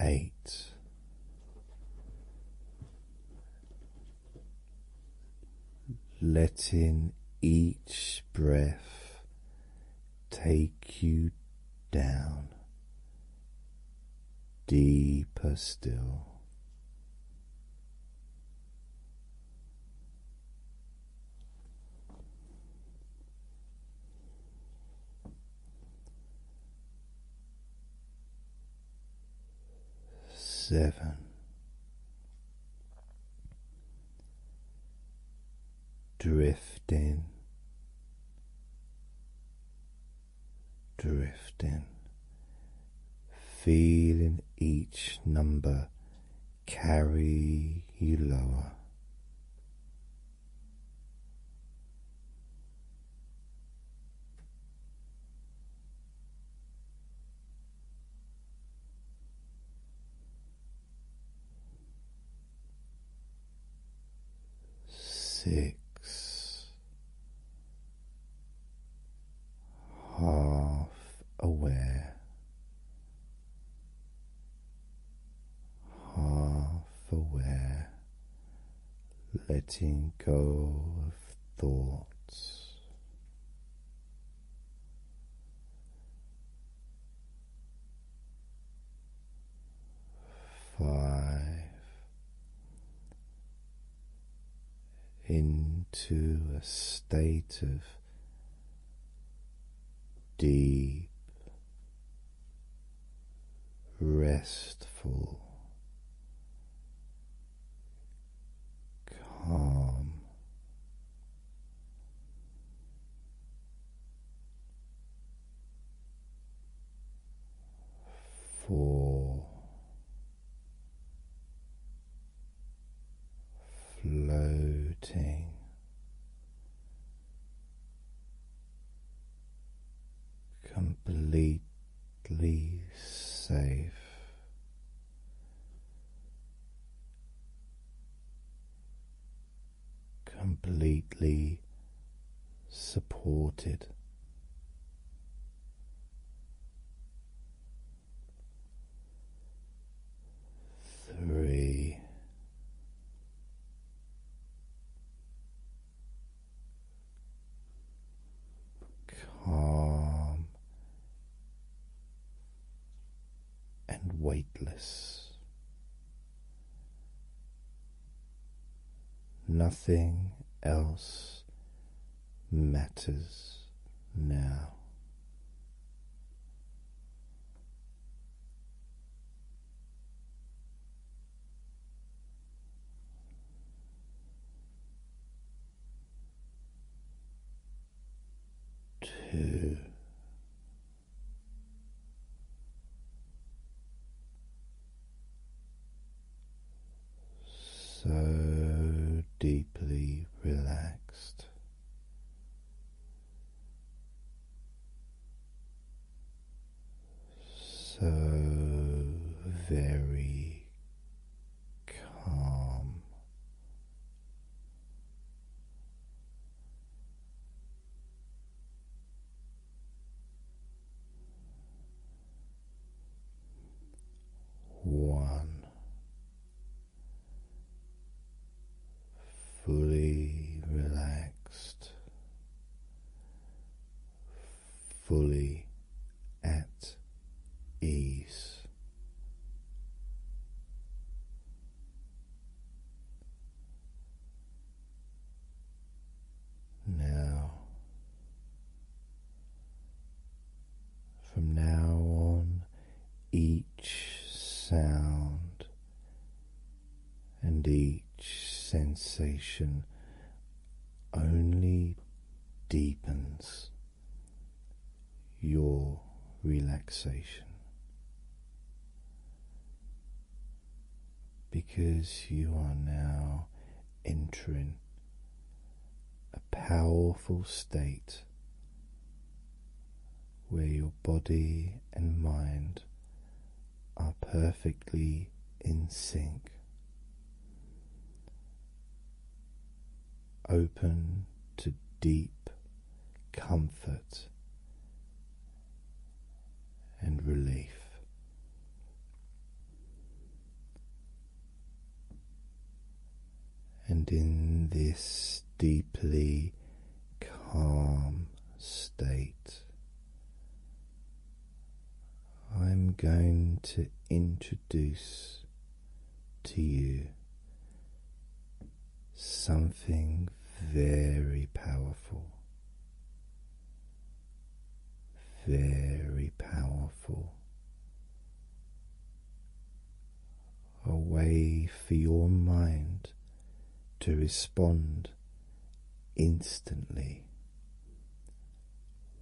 Eight letting each breath take you down deeper still seven, drifting, drifting, feeling each number carry you lower. Six half aware, half aware, letting go of thoughts. Five into a state of deep, restful calm. Four floating completely safe. Completely supported. Three, calm and weightless. Nothing else matters now two, so deeply relaxed. So very calm. One fully relaxed, fully at ease. Now, from now on, each sound and each sensation only deepens your relaxation because you are now entering a powerful state where your body and mind are perfectly in sync open to deep comfort and relief. And in this deeply calm state, I'm going to introduce to you something very powerful, very powerful. A way for your mind to respond instantly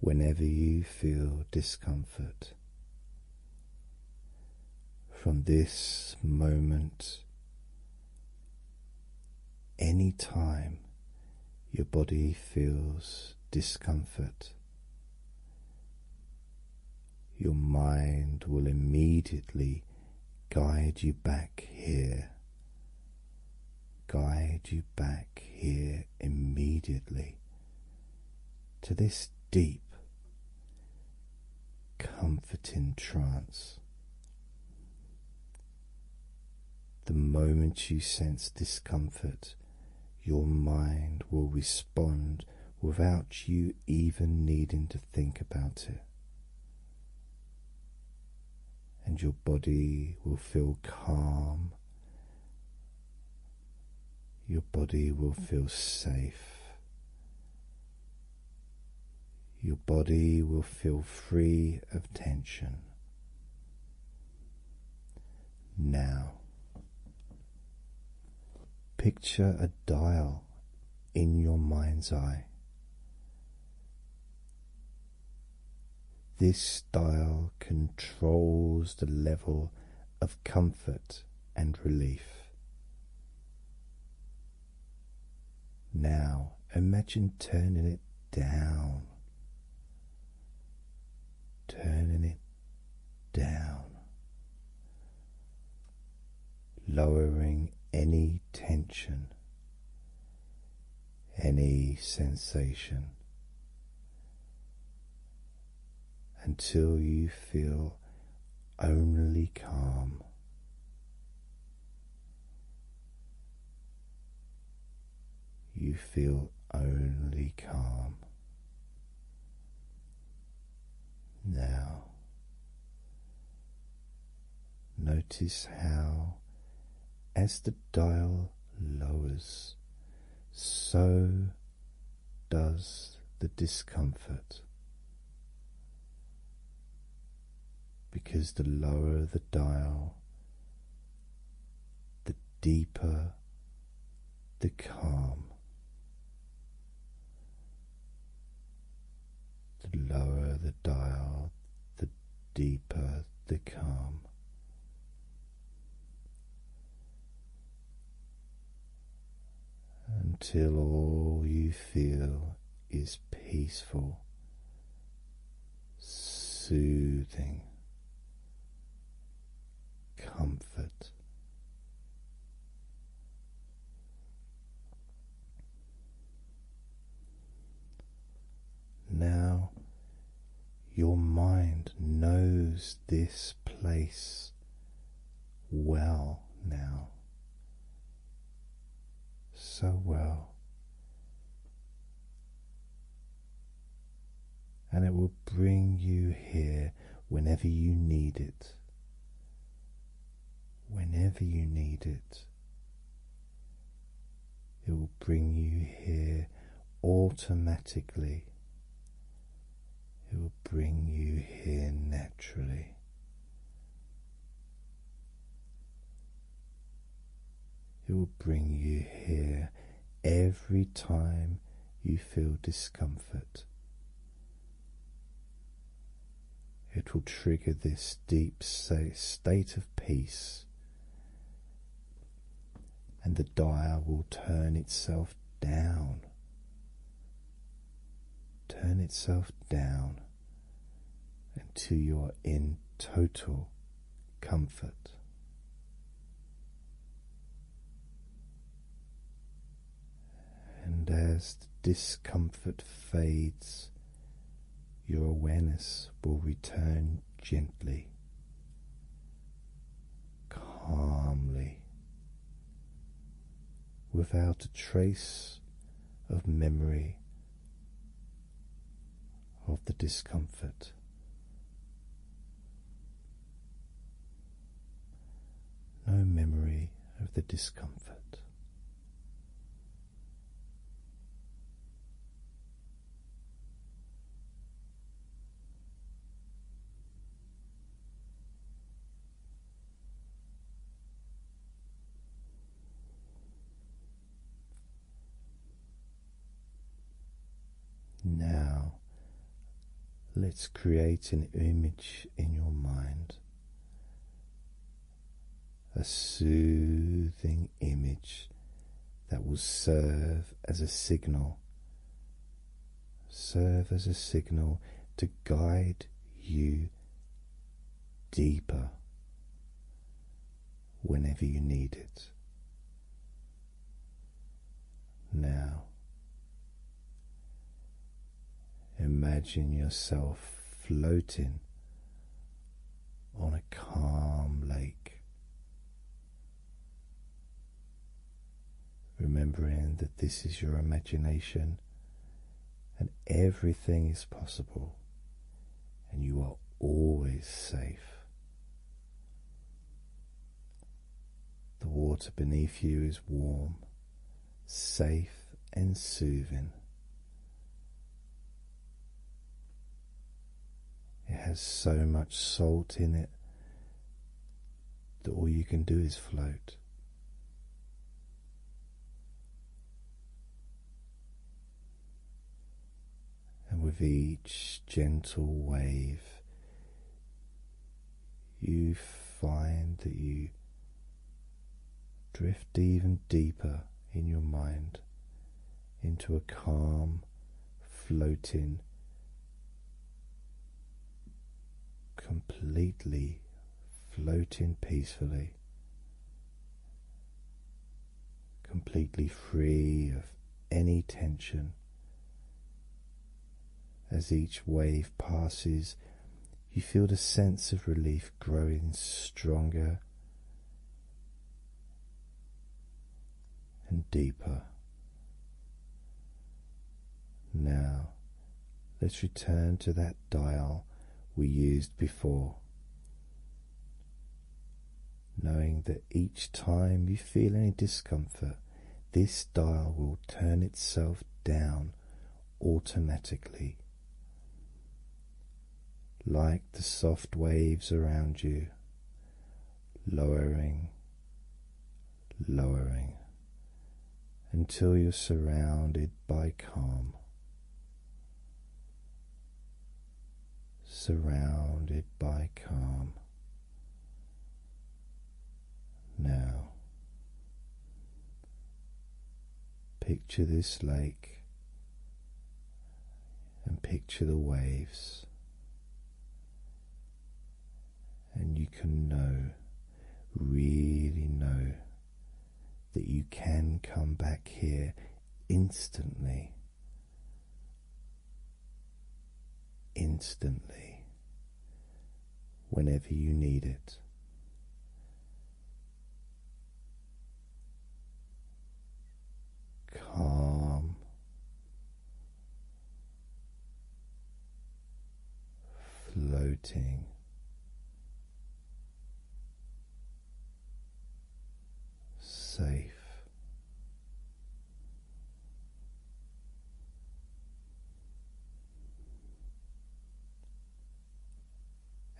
whenever you feel discomfort from this moment. Any time your body feels discomfort, your mind will immediately guide you back here, guide you back here immediately to this deep, comforting trance. The moment you sense discomfort, your mind will respond without you even needing to think about it. And your body will feel calm your body will feel safe. Your body will feel free of tension. Now, picture a dial in your mind's eye. This dial controls the level of comfort and relief. Now imagine turning it down, turning it down, lowering any tension, any sensation, until you feel only calm. You feel only calm. Now, notice how, as the dial lowers, so does the discomfort. Because the lower the dial, the deeper the calm, the lower the dial, the deeper the calm until all you feel is peaceful, soothing comfort. Now your mind knows this place well now. So well. And it will bring you here whenever you need it. Whenever you need it, it will bring you here automatically it will bring you here naturally. It will bring you here every time you feel discomfort. It will trigger this deep state of peace, and the dial will turn itself down turn itself down until you are in total comfort. And as the discomfort fades, your awareness will return gently calmly without a trace of memory of the discomfort. No memory of the discomfort. Now, let's create an image in your mind, a soothing image that will serve as a signal serve as a signal to guide you deeper whenever you need it. Now, imagine yourself floating on a calm lake remembering that this is your imagination and everything is possible, and you are always safe. The water beneath you is warm, safe, and soothing. It has so much salt in it that all you can do is float. And with each gentle wave, you find that you drift even deeper in your mind into a calm, floating, completely floating peacefully, completely free of any tension. As each wave passes, you feel the sense of relief growing stronger and deeper. Now Let's return to that dial we used before. Knowing that each time you feel any discomfort, this dial will turn itself down automatically, like the soft waves around you, lowering, lowering until you're surrounded by calm. Surrounded by calm. Now, picture this lake and picture the waves, and you can know really know that you can come back here instantly. Instantly, whenever you need it, calm, floating safe.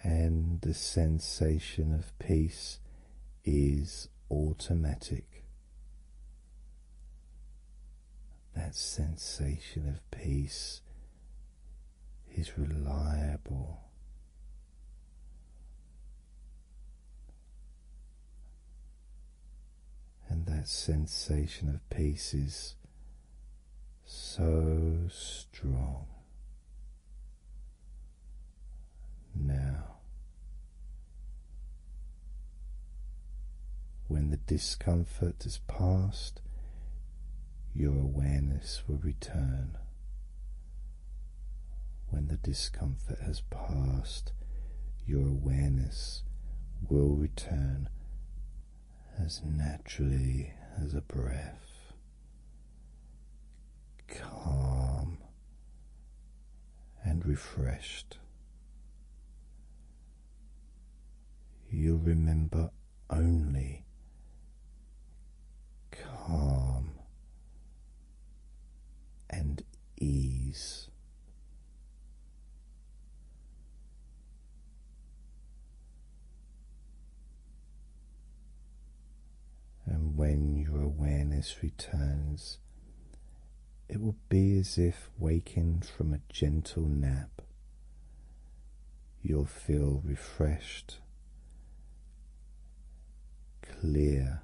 And the sensation of peace is automatic. That sensation of peace He's reliable. And that sensation of peace is so strong now. When the discomfort is past, your awareness will return when the discomfort has passed. Your awareness will return as naturally as a breath, calm and refreshed. You'll remember only calm and ease. And when your awareness returns, it will be as if waking from a gentle nap you'll feel refreshed, clear,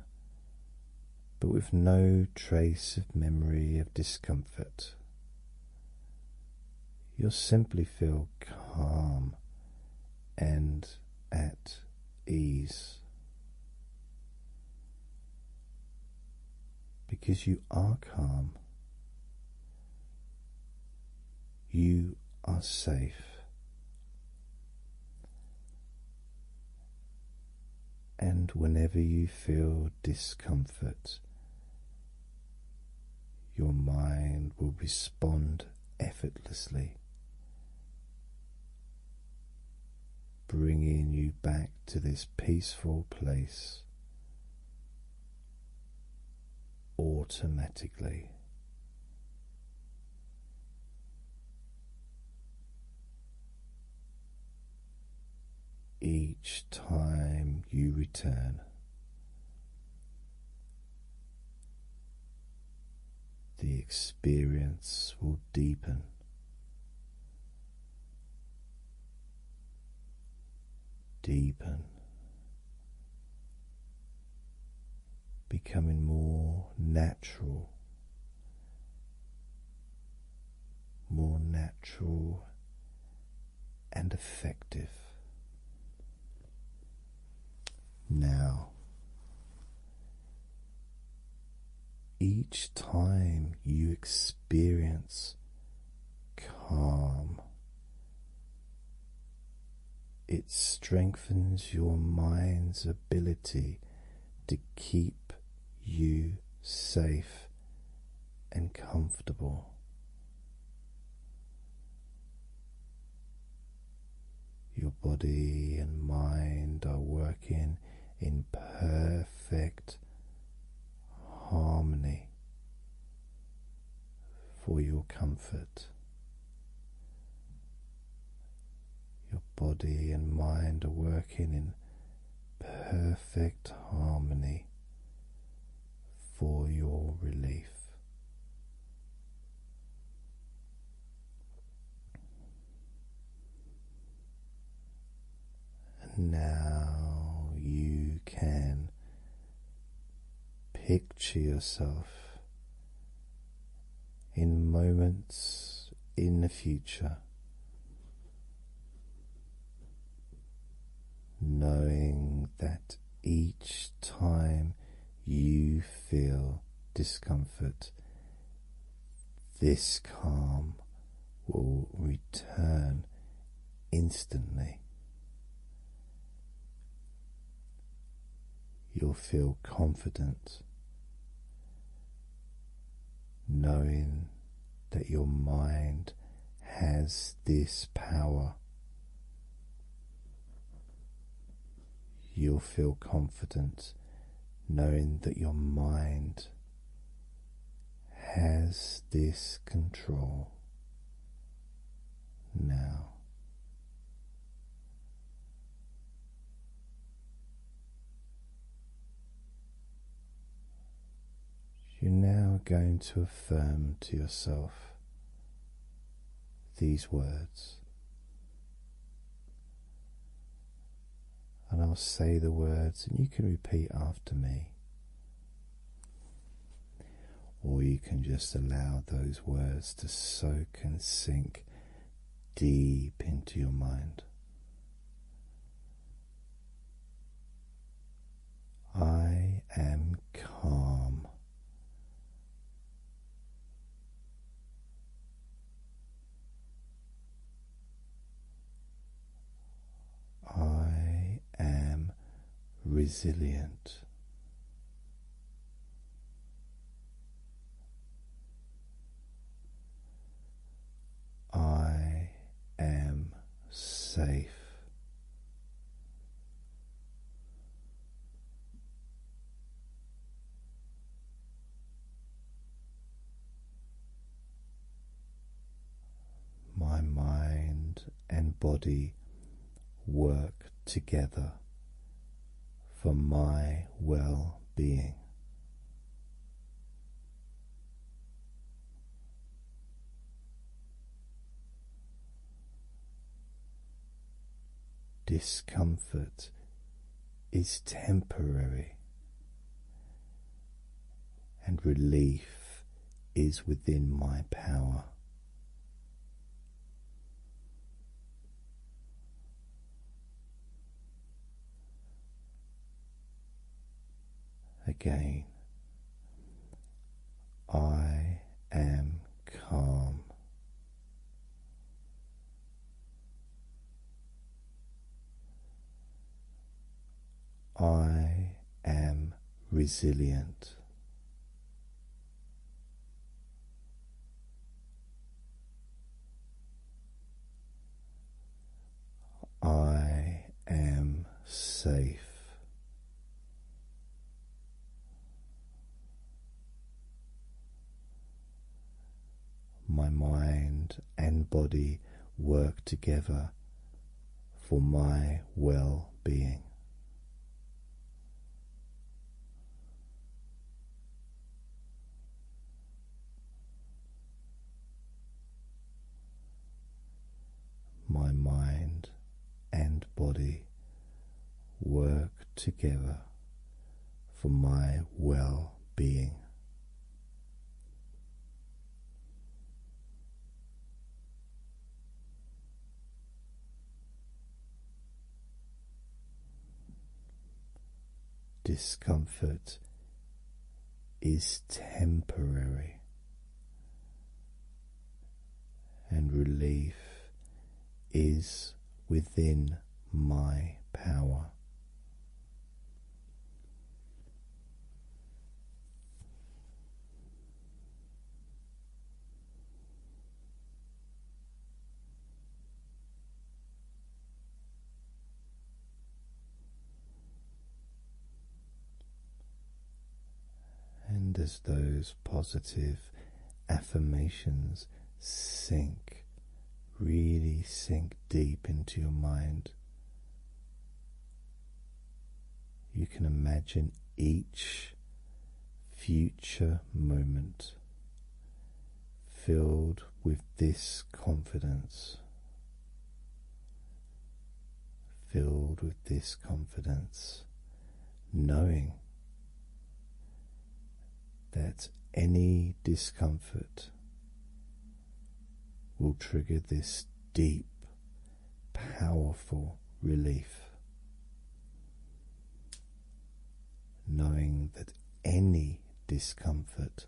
but with no trace of memory of discomfort. You'll simply feel calm and at ease. Because you are calm, you are safe. And whenever you feel discomfort, your mind will respond effortlessly, bringing you back to this peaceful place automatically. Each time you return, the experience will deepen deepen, becoming more natural, more natural and effective. Now, each time you experience calm it strengthens your mind's ability to keep you safe and comfortable. Your body and mind are working in perfect harmony for your comfort. Your body and mind are working in perfect harmony for your relief. now you can Picture yourself in moments in the future, knowing that each time you feel discomfort, this calm will return instantly. You'll feel confident knowing that your mind has this power. You'll feel confident knowing that your mind has this control now. You're now going to affirm to yourself these words. And I'll say the words, and you can repeat after me or you can just allow those words to soak and sink deep into your mind. I am calm. I am resilient. I am safe. My mind and body work together for my well being. Discomfort is temporary, and relief is within my power. Again, I am calm. I am resilient. I am safe. My mind and body work together for my well being. My mind and body work together for my well being. Discomfort is temporary, and relief is within my power. And as those positive affirmations sink, really sink deep into your mind, you can imagine each future moment filled with this confidence. Filled with this confidence, knowing that any discomfort will trigger this deep, powerful relief knowing that any discomfort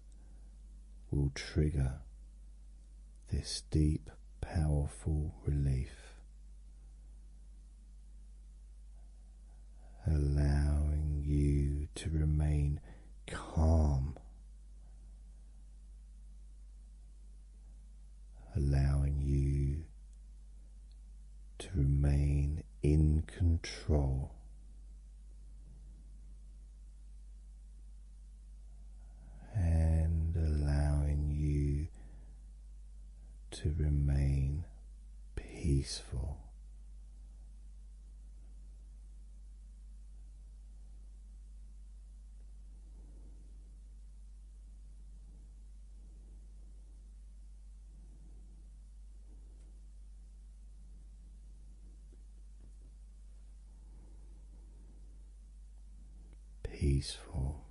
will trigger this deep, powerful relief. Allowing you to remain calm, allowing you to remain in control. And allowing you to remain peaceful peaceful.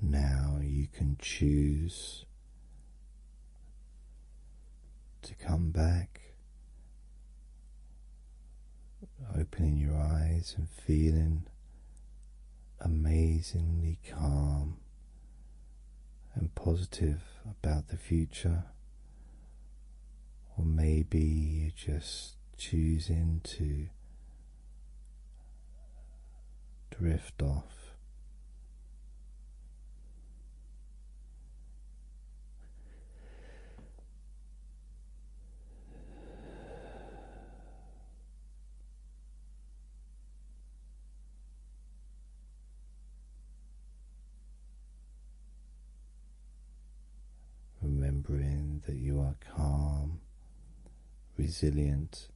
Now you can choose to come back, opening your eyes and feeling amazingly calm and positive about the future. Or maybe you just choosing to drift off. Remembering that you are calm, resilient,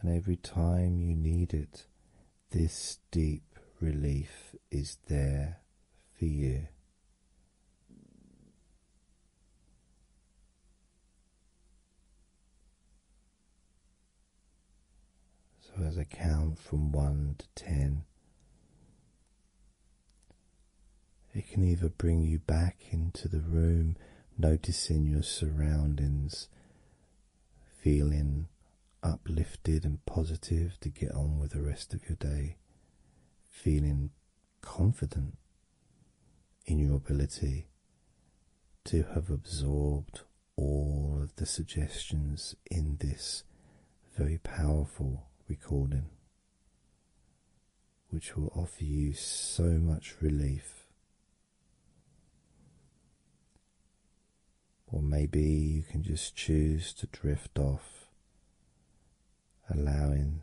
and every time you need it, this deep relief is there for you. So, as I count from one to ten, it can either bring you back into the room, noticing your surroundings feeling uplifted and positive to get on with the rest of your day, feeling confident in your ability to have absorbed all of the suggestions in this very powerful recording, which will offer you so much relief or maybe you can just choose to drift off, allowing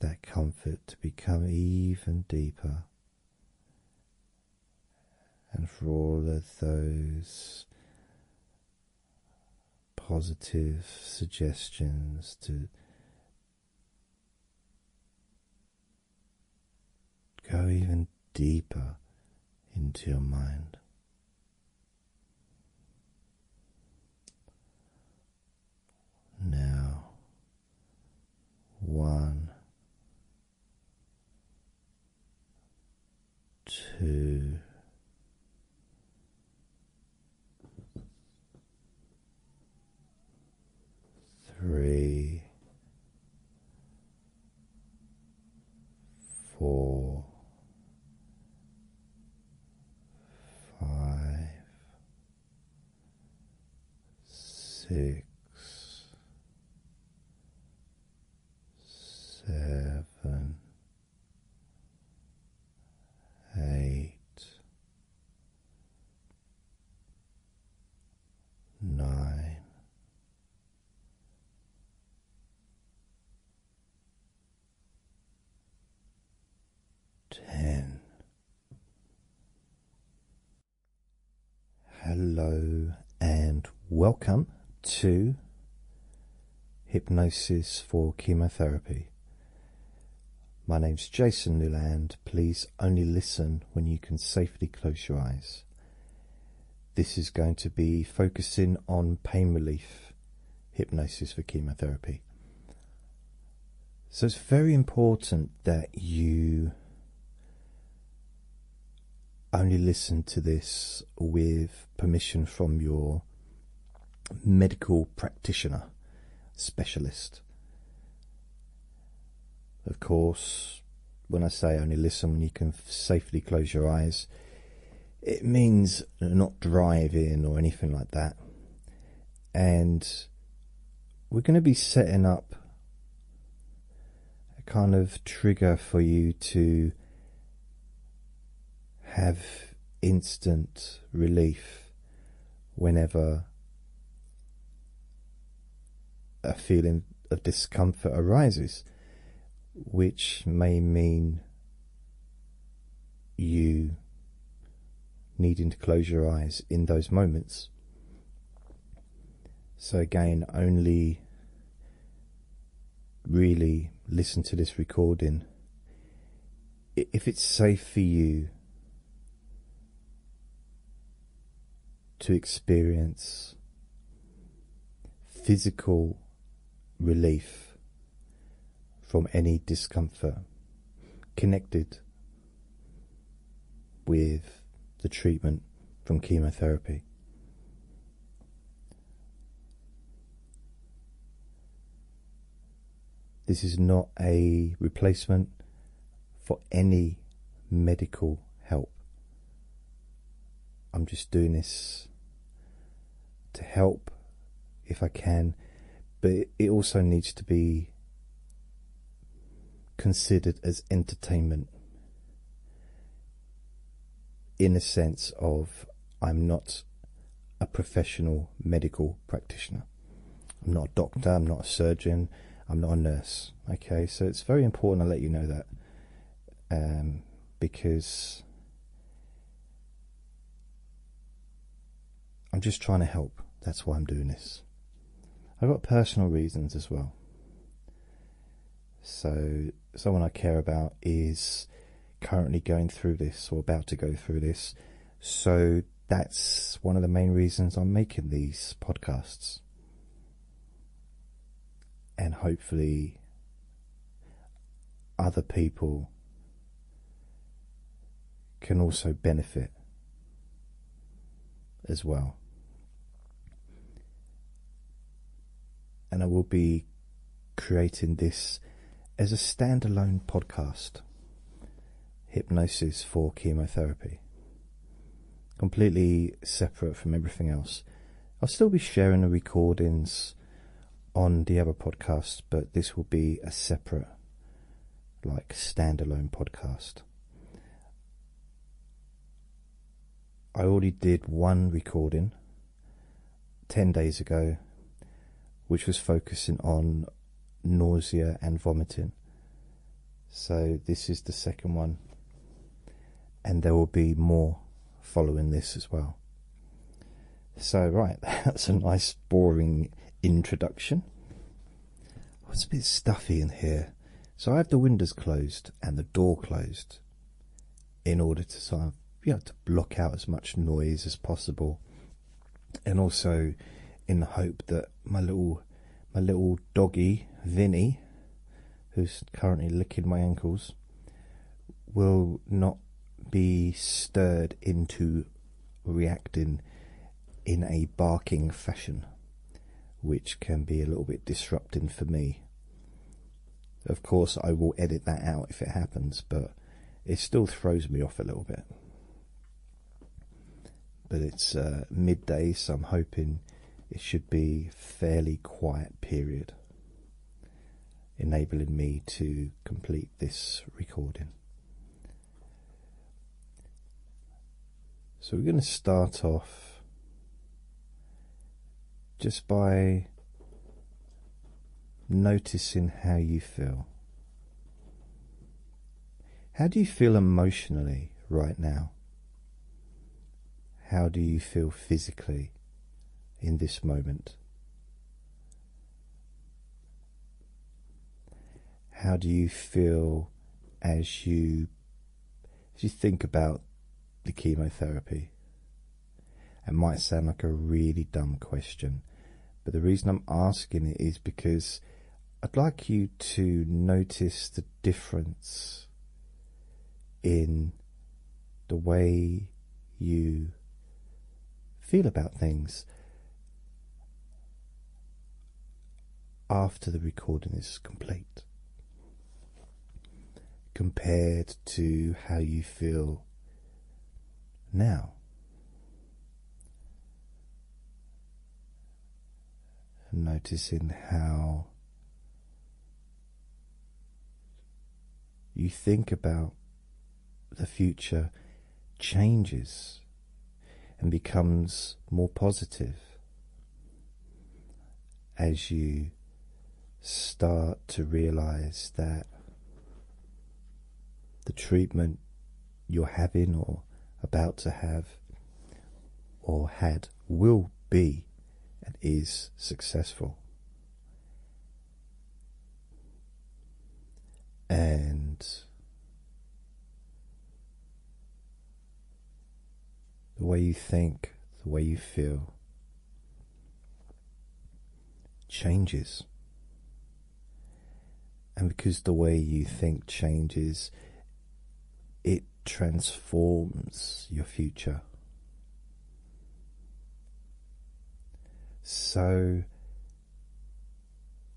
that comfort to become even deeper. And for all of those positive suggestions to Go even deeper into your mind. Now, one, two, three, four, five, six, seven, eight nine. Hello and welcome to Hypnosis for Chemotherapy. My name's Jason Newland. Please only listen when you can safely close your eyes. This is going to be focusing on pain relief hypnosis for chemotherapy. So it's very important that you only listen to this with permission from your medical practitioner specialist. Of course, when I say only listen when you can safely close your eyes, it means not driving or anything like that. And we're going to be setting up a kind of trigger for you to have instant relief whenever a feeling of discomfort arises, which may mean you needing to close your eyes in those moments. So, again, only really listen to this recording if it's safe for you to experience physical relief from any discomfort connected with the treatment from chemotherapy. This is not a replacement for any medical help. I'm just doing this to help if I can, but it also needs to be considered as entertainment in a sense of I'm not a professional medical practitioner. I'm not a doctor, I'm not a surgeon, I'm not a nurse. Okay, so it's very important I let you know that um, because I'm just trying to help. That's why I'm doing this. I've got personal reasons as well. So, someone I care about is currently going through this or about to go through this. So, that's one of the main reasons I'm making these podcasts and hopefully other people can also benefit as well. And I will be creating this as a standalone podcast Hypnosis for Chemotherapy completely separate from everything else. I'll still be sharing the recordings on the other podcast, but this will be a separate, like, standalone podcast. I already did one recording 10 days ago, which was focusing on nausea and vomiting. So, this is the second one, and there will be more following this as well. So, right, that's a nice, boring introduction. Oh, it's a bit stuffy in here, so I have the windows closed and the door closed in order to sort of, you know, to block out as much noise as possible, and also in the hope that my little my little doggy Vinny, who's currently licking my ankles, will not be stirred into reacting in a barking fashion, which can be a little bit disrupting for me. Of course, I will edit that out if it happens, but it still throws me off a little bit. But it's uh, midday, so I'm hoping it should be fairly quiet period enabling me to complete this recording so we're going to start off just by noticing how you feel how do you feel emotionally right now how do you feel physically in this moment? How do you feel as you as you think about the chemotherapy? It might sound like a really dumb question, but the reason I'm asking it is because I'd like you to notice the difference in the way you feel about things after the recording is complete compared to how you feel now. Noticing how you think about the future changes and becomes more positive as you start to realize that the treatment you're having or about to have or had will be and is successful. And the way you think, the way you feel changes. And because the way you think changes, it transforms your future. So,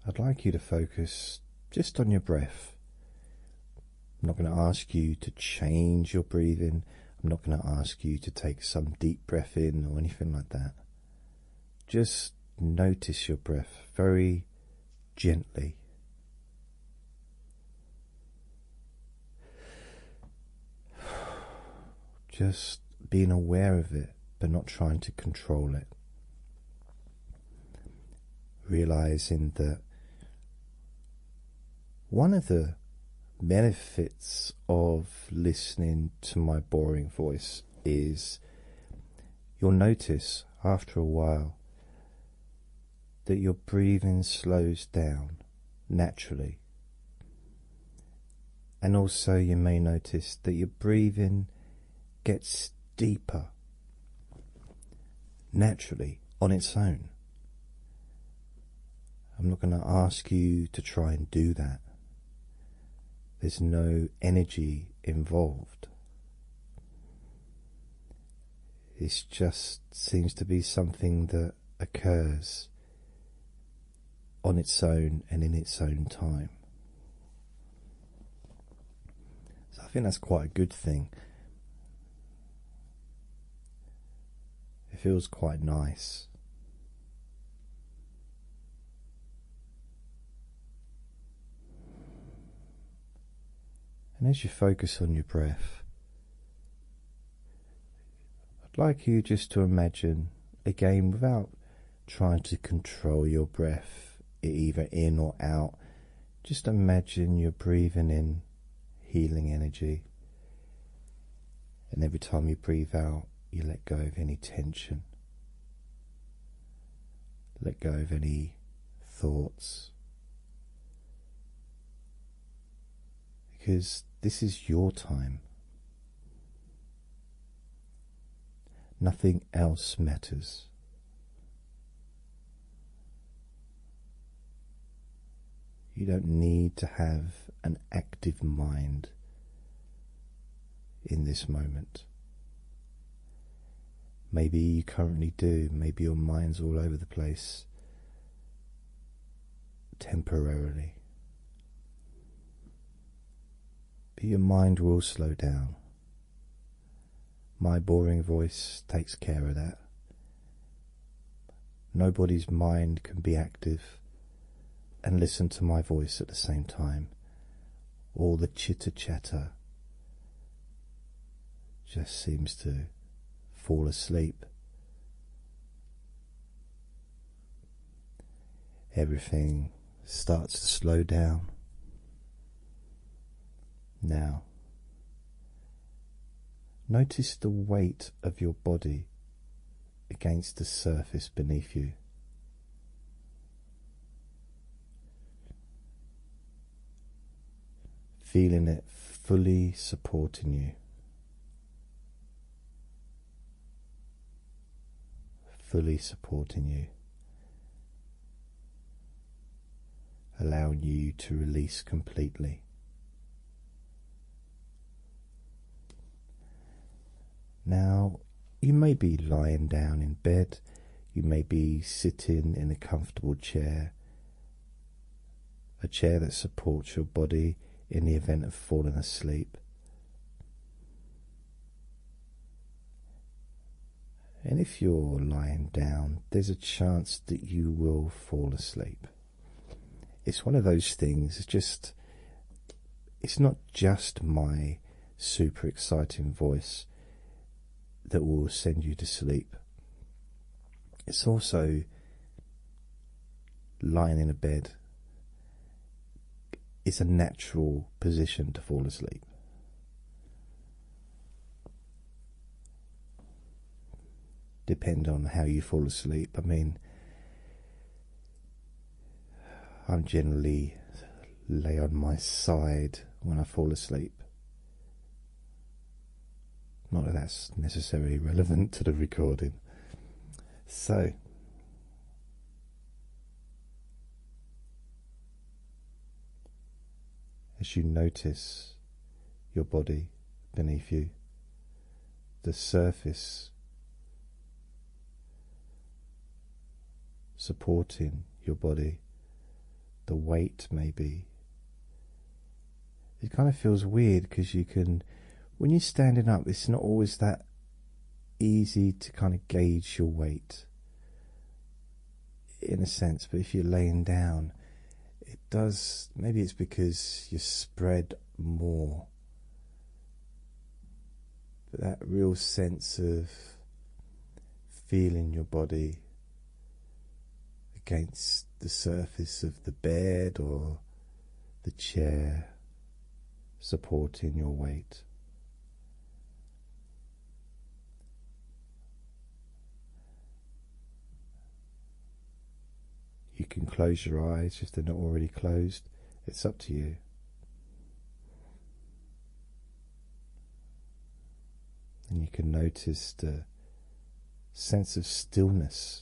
I'd like you to focus just on your breath. I'm not going to ask you to change your breathing. I'm not going to ask you to take some deep breath in or anything like that. Just notice your breath very gently. Just being aware of it, but not trying to control it. Realizing that one of the benefits of listening to my boring voice is you'll notice after a while that your breathing slows down naturally. And also, you may notice that your breathing gets deeper naturally on its own. I'm not going to ask you to try and do that. There's no energy involved. It just seems to be something that occurs on its own and in its own time. So I think that's quite a good thing. It feels quite nice. And as you focus on your breath, I'd like you just to imagine, again, without trying to control your breath, either in or out, just imagine you're breathing in healing energy. And every time you breathe out, you let go of any tension, let go of any thoughts because this is your time. Nothing else matters. You don't need to have an active mind in this moment. Maybe you currently do, maybe your mind's all over the place temporarily. But your mind will slow down. My boring voice takes care of that. Nobody's mind can be active and listen to my voice at the same time. All the chitter chatter just seems to fall asleep. Everything starts to slow down. Now, notice the weight of your body against the surface beneath you. Feeling it fully supporting you fully supporting you, allowing you to release completely. Now, you may be lying down in bed, you may be sitting in a comfortable chair, a chair that supports your body in the event of falling asleep. And if you're lying down, there's a chance that you will fall asleep. It's one of those things, it's just, it's not just my super exciting voice that will send you to sleep. It's also lying in a bed is a natural position to fall asleep. Depend on how you fall asleep. I mean, I'm generally lay on my side when I fall asleep. Not that that's necessarily relevant to the recording. So, as you notice your body beneath you, the surface supporting your body, the weight may be it kind of feels weird because you can when you're standing up it's not always that easy to kind of gauge your weight in a sense but if you're laying down it does maybe it's because you're spread more but that real sense of feeling your body against the surface of the bed or the chair supporting your weight. You can close your eyes if they're not already closed, it's up to you. And you can notice the sense of stillness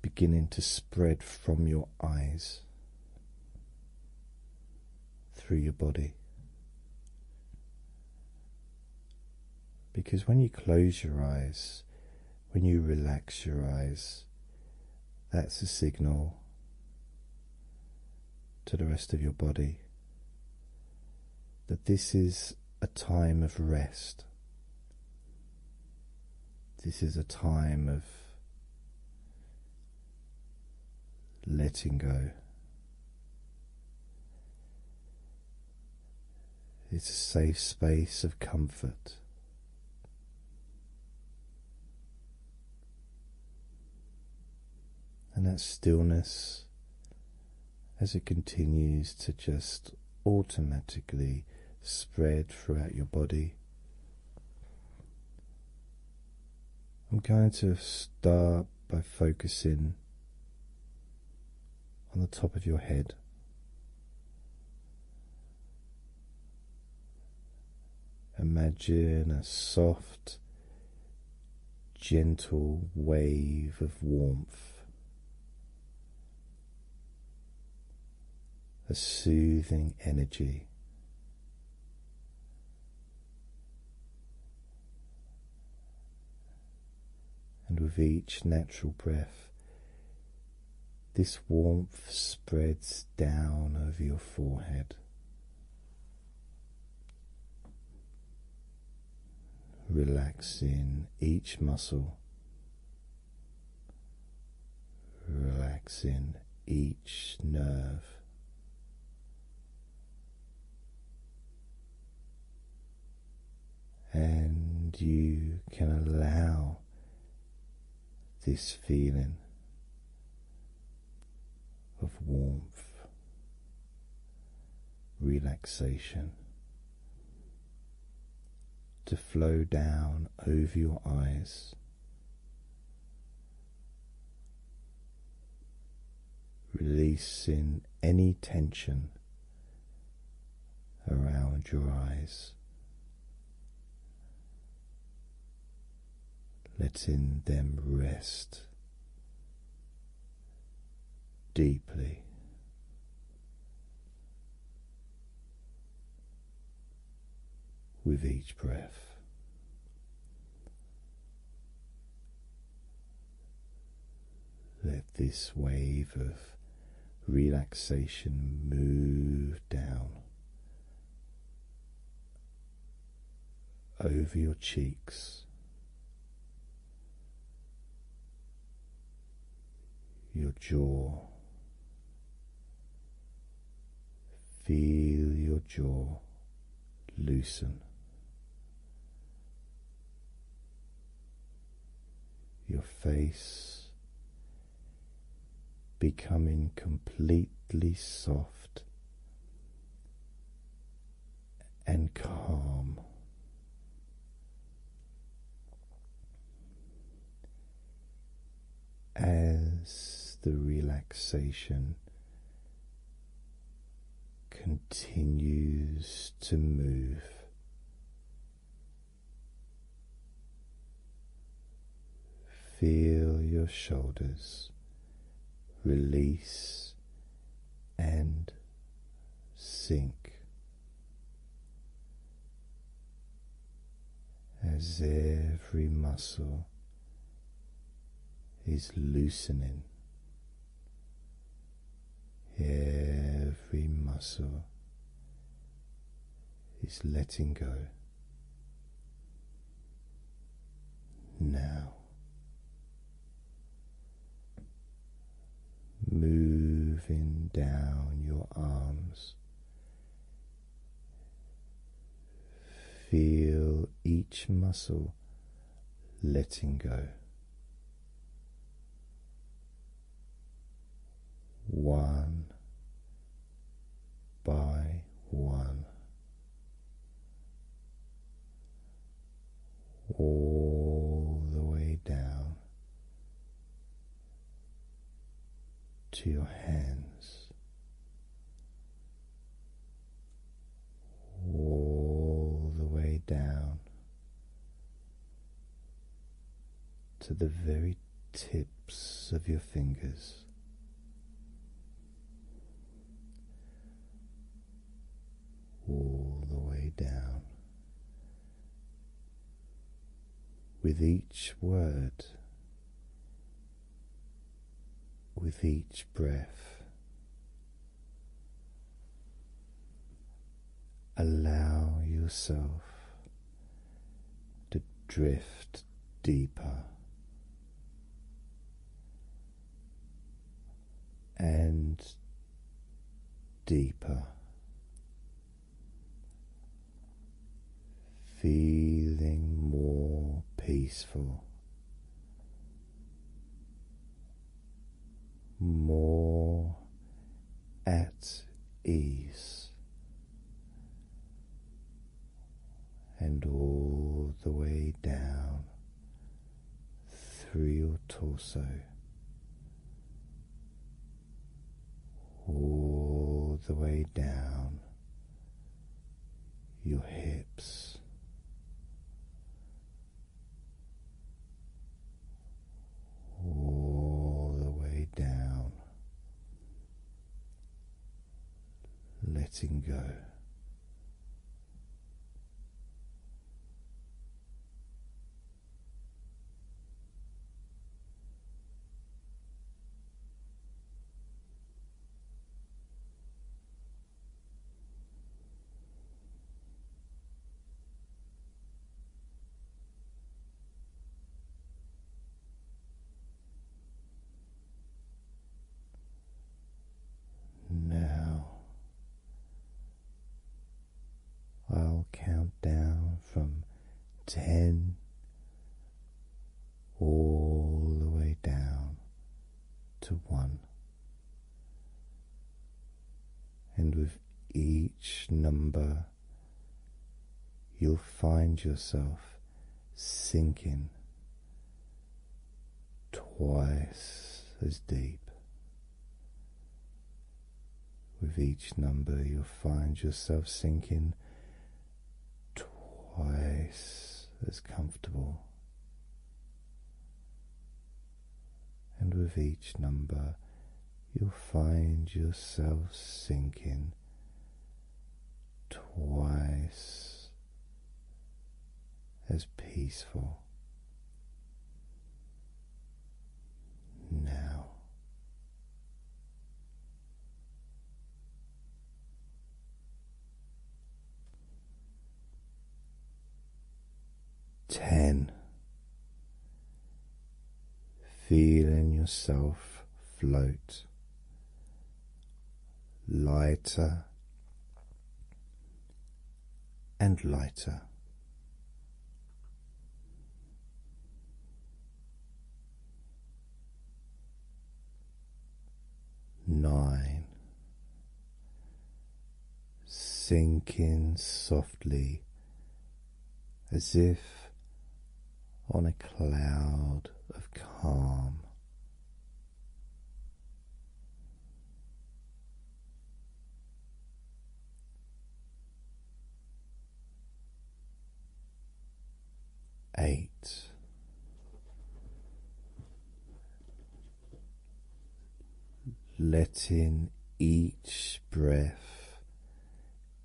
beginning to spread from your eyes through your body. Because when you close your eyes, when you relax your eyes, that's a signal to the rest of your body that this is a time of rest. This is a time of letting go. It's a safe space of comfort. And that stillness as it continues to just automatically spread throughout your body. I'm going to start by focusing on the top of your head. Imagine a soft, gentle wave of warmth a soothing energy. And with each natural breath, this warmth spreads down over your forehead, relaxing each muscle relaxing each nerve. And you can allow this feeling of warmth, relaxation, to flow down over your eyes. Releasing any tension around your eyes, letting them rest deeply with each breath. Let this wave of relaxation move down over your cheeks, your jaw. Feel your jaw loosen. Your face becoming completely soft and calm as the relaxation continues to move. Feel your shoulders release and sink as every muscle is loosening, every muscle is letting go. Now moving down your arms. Feel each muscle letting go. One by one, all the way down to your hands, all the way down to the very tips of your fingers. All the way down with each word, with each breath. Allow yourself to drift deeper and deeper feeling more peaceful, more at ease, and all the way down through your torso all the way down your hips. All the way down, letting go. Now I'll count down from ten, all the way down to one. And with each number, you'll find yourself sinking twice as deep with each number, you'll find yourself sinking twice as comfortable. And with each number, you'll find yourself sinking twice as peaceful. Now Ten, feeling yourself float lighter and lighter. Nine. Sink softly as if on a cloud of calm eight. Letting each breath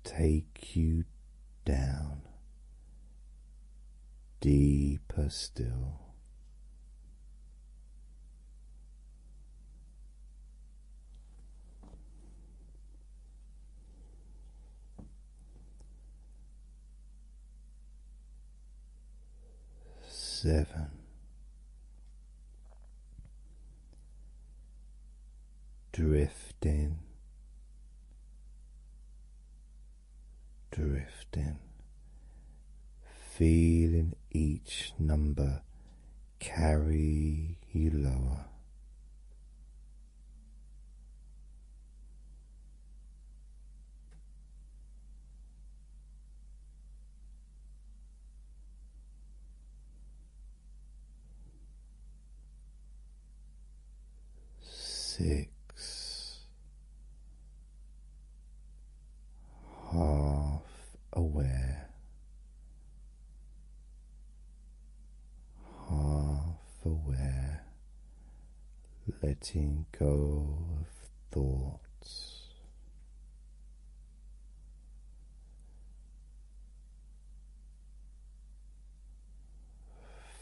take you down deeper still seven. Drifting, drifting, feeling each number carry you lower, Six half aware half aware, letting go of thoughts.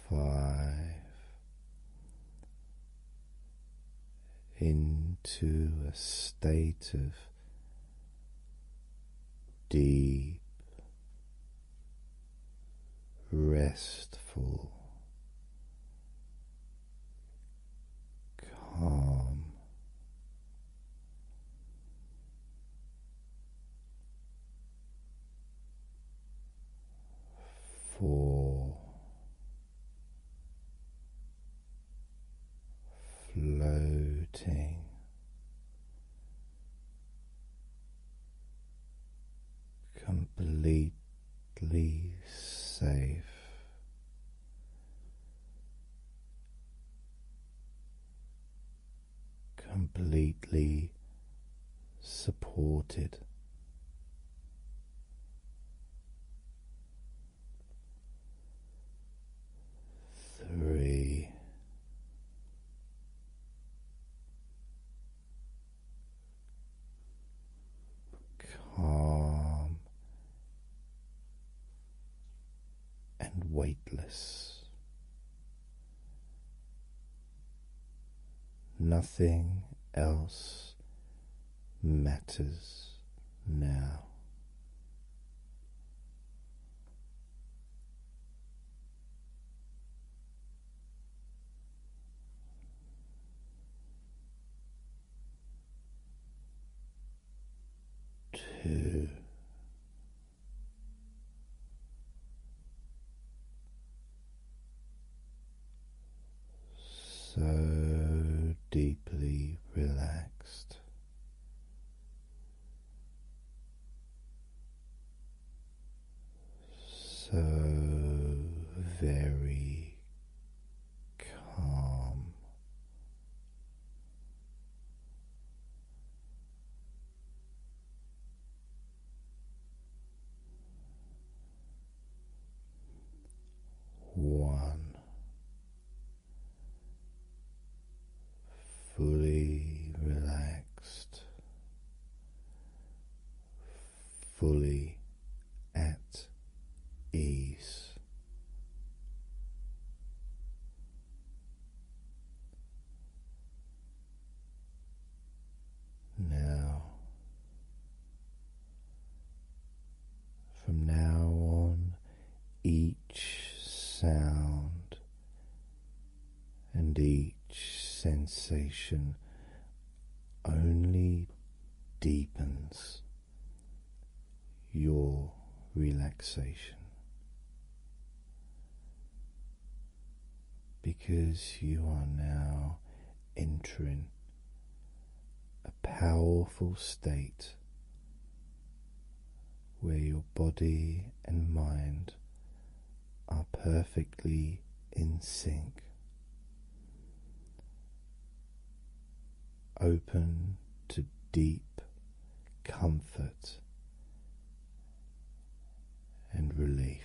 Five into a state of deep restful, calm. Four floating completely safe. Completely supported. Three, calm and weightless. Nothing else matters now. Two. So deeply relaxed so very calm. One fully relaxed fully at ease. Now, from now on, each sound and each sensation only deepens your relaxation. Because you are now entering a powerful state where your body and mind are perfectly in sync. Open to deep comfort and relief.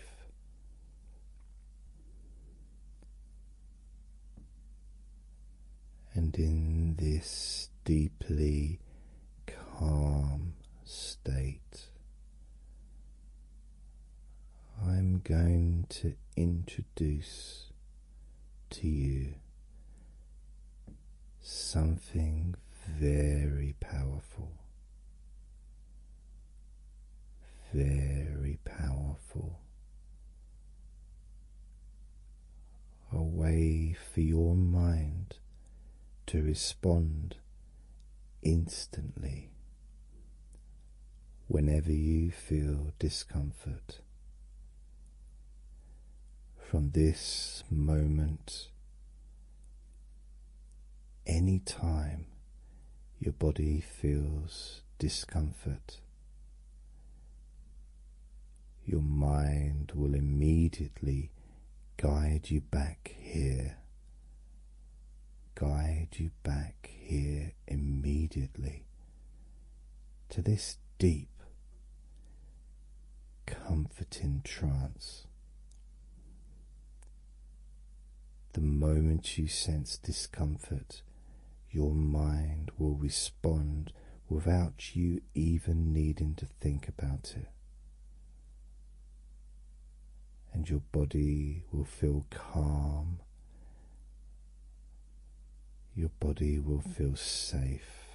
And in this deeply calm state, I'm going to introduce to you something very powerful, very powerful. A way for your mind to respond instantly whenever you feel discomfort. From this moment, any time your body feels discomfort, your mind will immediately guide you back here guide you back here immediately to this deep, comforting trance. The moment you sense discomfort, your mind will respond without you even needing to think about it and your body will feel calm. Your body will feel safe.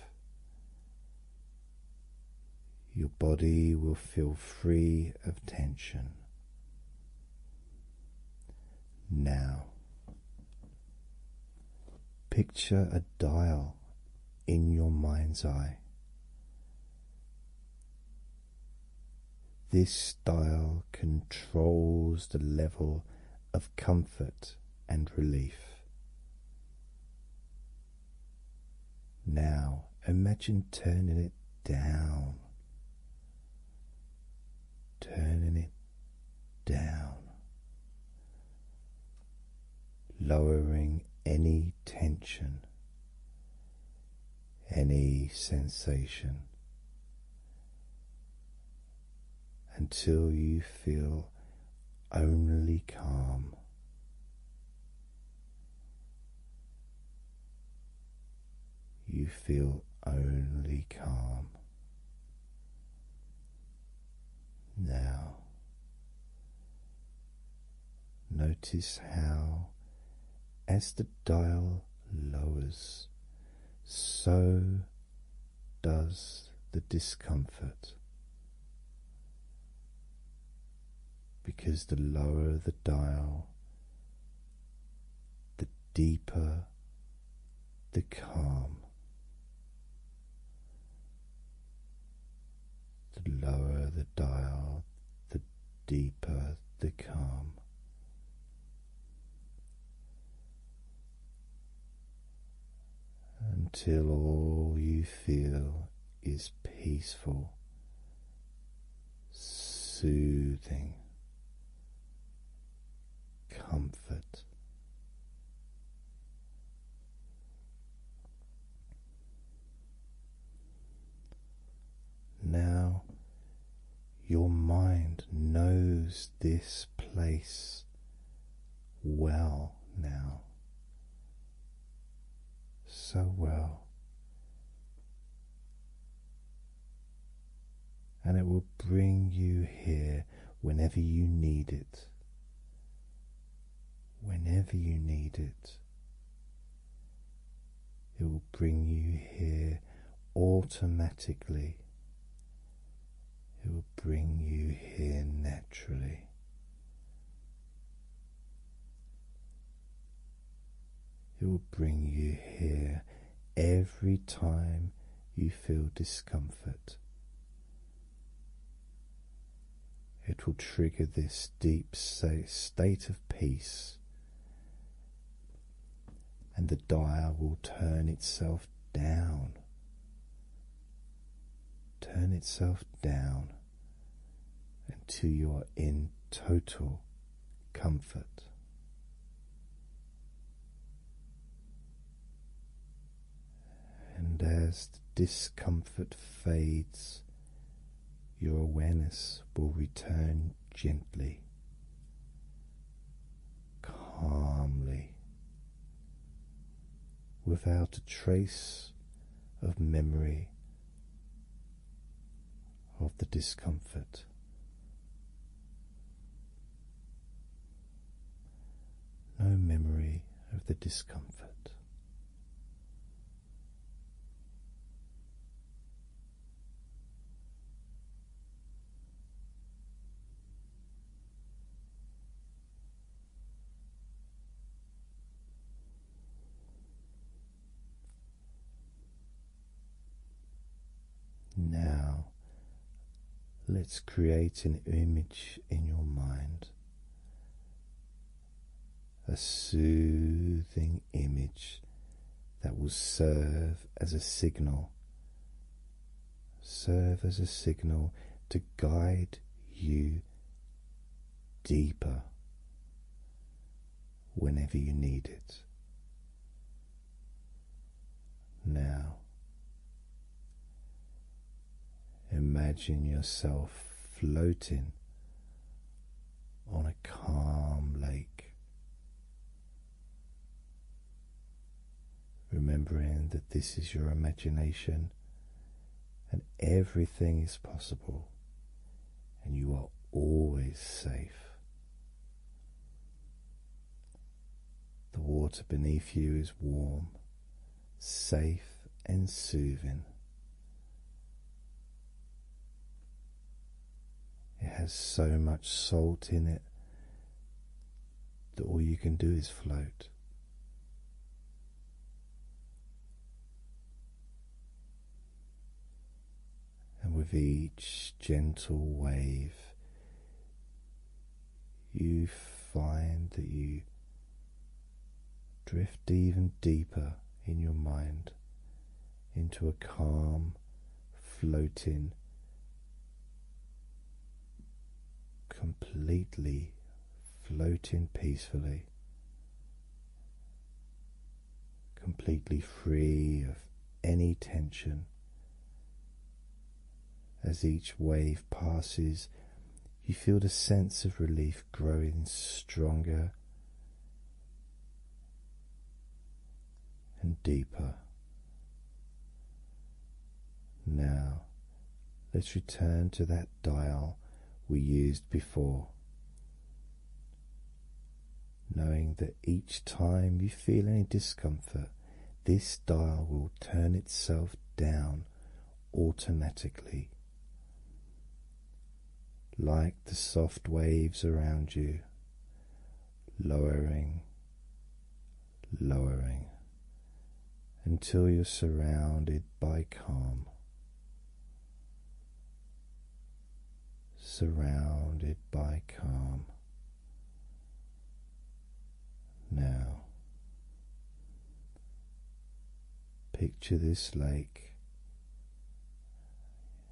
Your body will feel free of tension. Now, picture a dial in your mind's eye. This style controls the level of comfort and relief. Now imagine turning it down, turning it down, lowering any tension any sensation until you feel only calm. You feel only calm. Now Notice how, as the dial lowers, so does the discomfort. Because the lower the dial, the deeper the calm. The lower the dial, the deeper the calm. Until all you feel is peaceful, soothing, comfort. Now your mind knows this place well now, so well. And it will bring you here whenever you need it. Whenever you need it, it will bring you here automatically. It will bring you here naturally. It will bring you here every time you feel discomfort. It will trigger this deep state of peace and the dial will turn itself down. Turn itself down until you are in total comfort. And as the discomfort fades your awareness will return gently, calmly, without a trace of memory of the discomfort. No memory of the discomfort. Now, let's create an image in your mind a soothing image that will serve as a signal. Serve as a signal to guide you deeper whenever you need it. Now, imagine yourself floating on a calm lake. Remembering that this is your imagination and everything is possible, and you are always safe. The water beneath you is warm, safe, and soothing. It has so much salt in it that all you can do is float. And with each gentle wave, you find that you drift even deeper in your mind into a calm, floating, completely floating peacefully, completely free of any tension. As each wave passes, you feel the sense of relief growing stronger and deeper. Now let's return to that dial we used before. Knowing that each time you feel any discomfort, this dial will turn itself down automatically, like the soft waves around you, lowering, lowering until you're surrounded by calm. Surrounded by calm. Now, picture this lake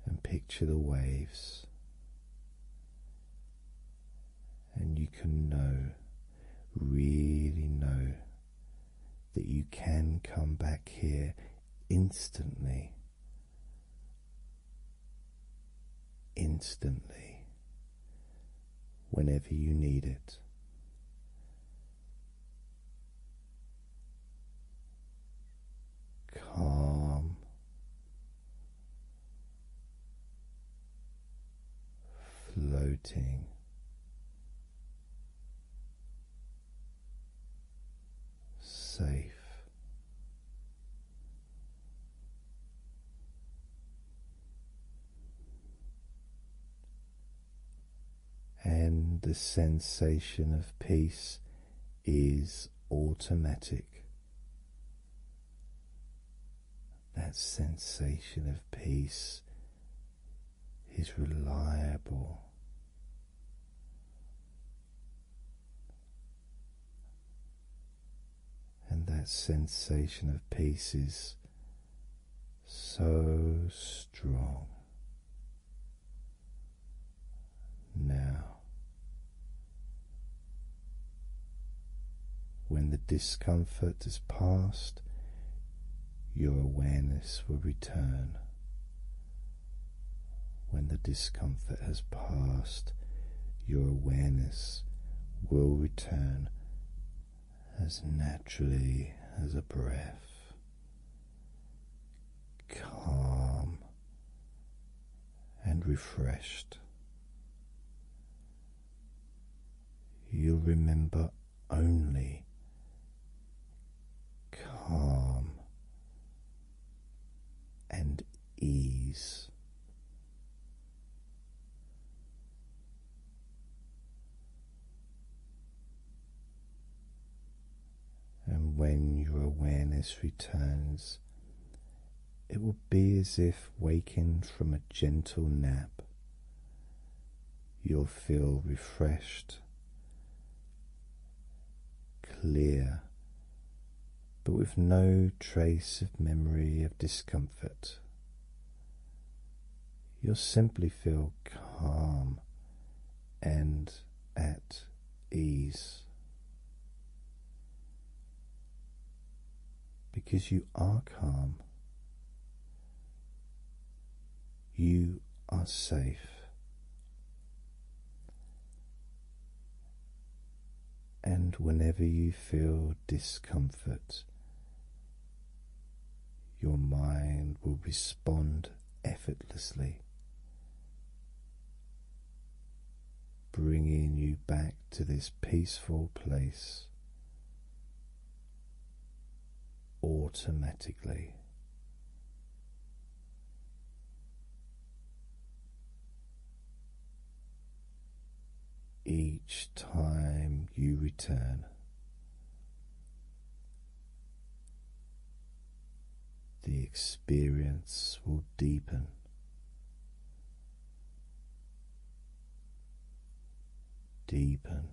and picture the waves, and you can know, really know, that you can come back here instantly. Instantly, whenever you need it, calm floating. Safe and the sensation of peace is automatic that sensation of peace is reliable. And that sensation of peace is so strong. Now, when the discomfort is past, your awareness will return. When the discomfort has passed, your awareness will return as naturally as a breath, calm and refreshed. You'll remember only calm and ease. And when your awareness returns, it will be as if waking from a gentle nap. You'll feel refreshed, clear, but with no trace of memory of discomfort. You'll simply feel calm and at ease because you are calm, you are safe. And whenever you feel discomfort, your mind will respond effortlessly bringing you back to this peaceful place automatically. Each time you return, the experience will deepen deepen,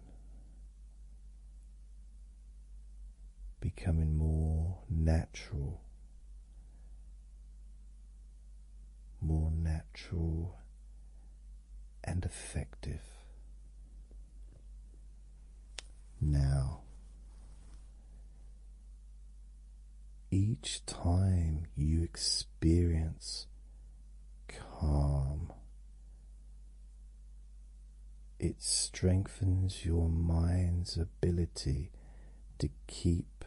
becoming more natural, more natural and effective. Now, each time you experience calm, it strengthens your mind's ability to keep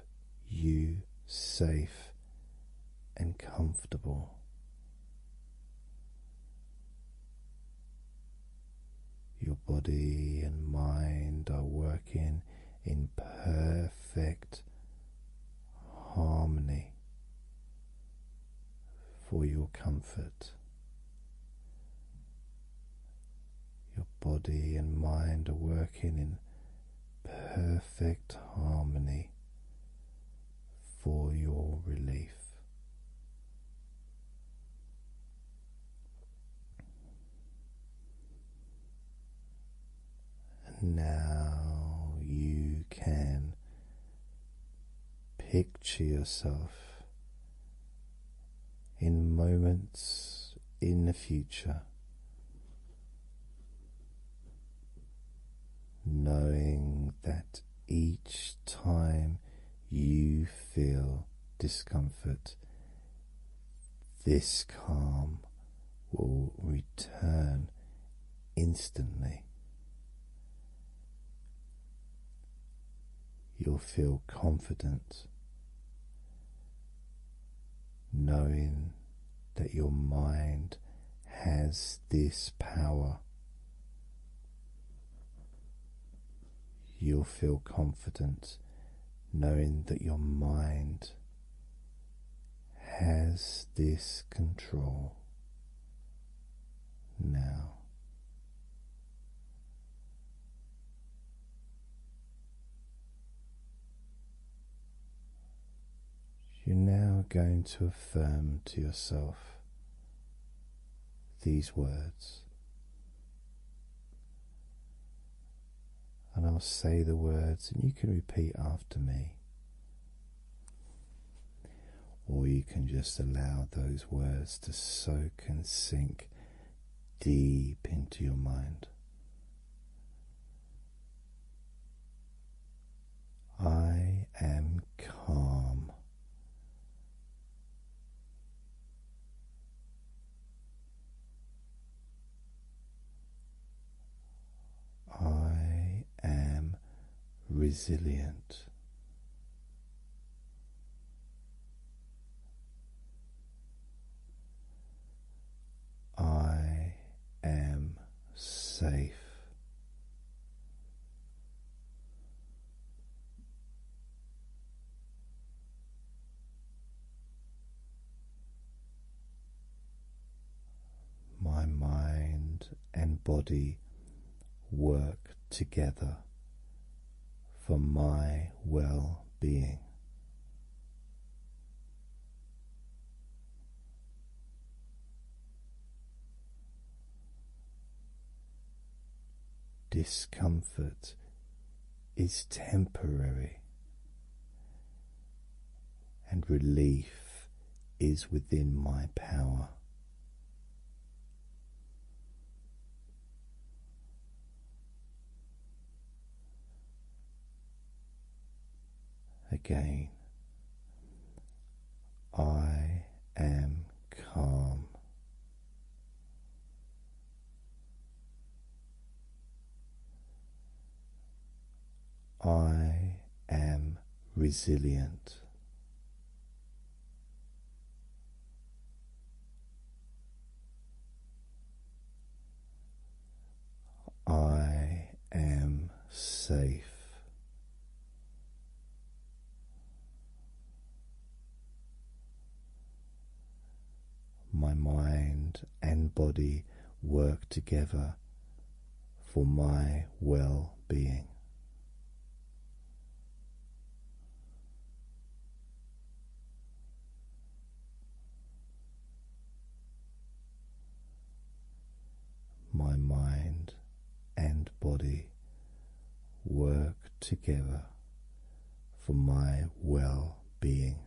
you safe and comfortable. Your body and mind are working in perfect harmony for your comfort. Your body and mind are working in perfect harmony for your relief. And now you can picture yourself in moments in the future, knowing that each time you feel discomfort this calm will return instantly. You'll feel confident knowing that your mind has this power. You'll feel confident knowing that your mind has this control now. You're now going to affirm to yourself these words and I'll say the words, and you can repeat after me. Or you can just allow those words to soak and sink deep into your mind. I am calm. I am resilient. I am safe. My mind and body work together for my well being. Discomfort is temporary, and relief is within my power. Again, I am calm. I am resilient. I am safe my mind and body work together for my well being. My mind and body work together for my well being.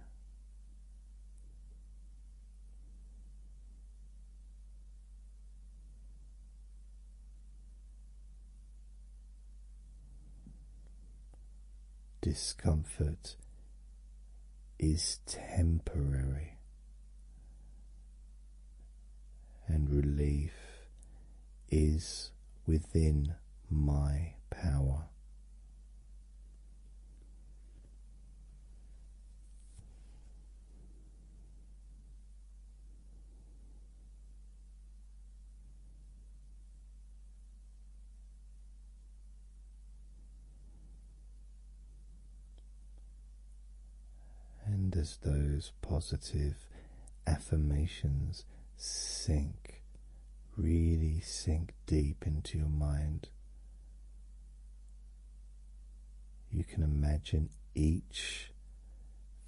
Discomfort is temporary, and relief is within my power. And as those positive affirmations sink really sink deep into your mind. You can imagine each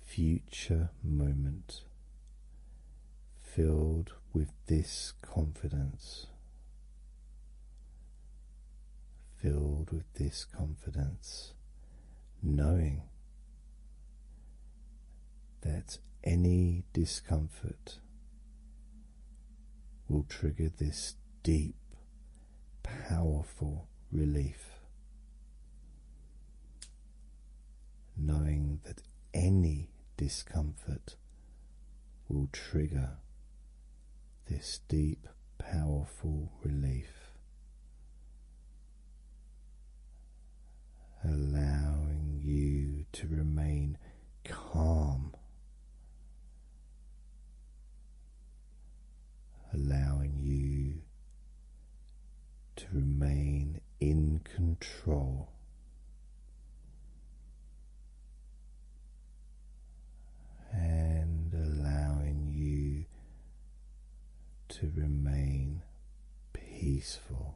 future moment filled with this confidence, filled with this confidence, knowing that any discomfort will trigger this deep, powerful relief. Knowing that any discomfort will trigger this deep, powerful relief. Allowing you to remain calm, allowing you to remain in control. And allowing you to remain peaceful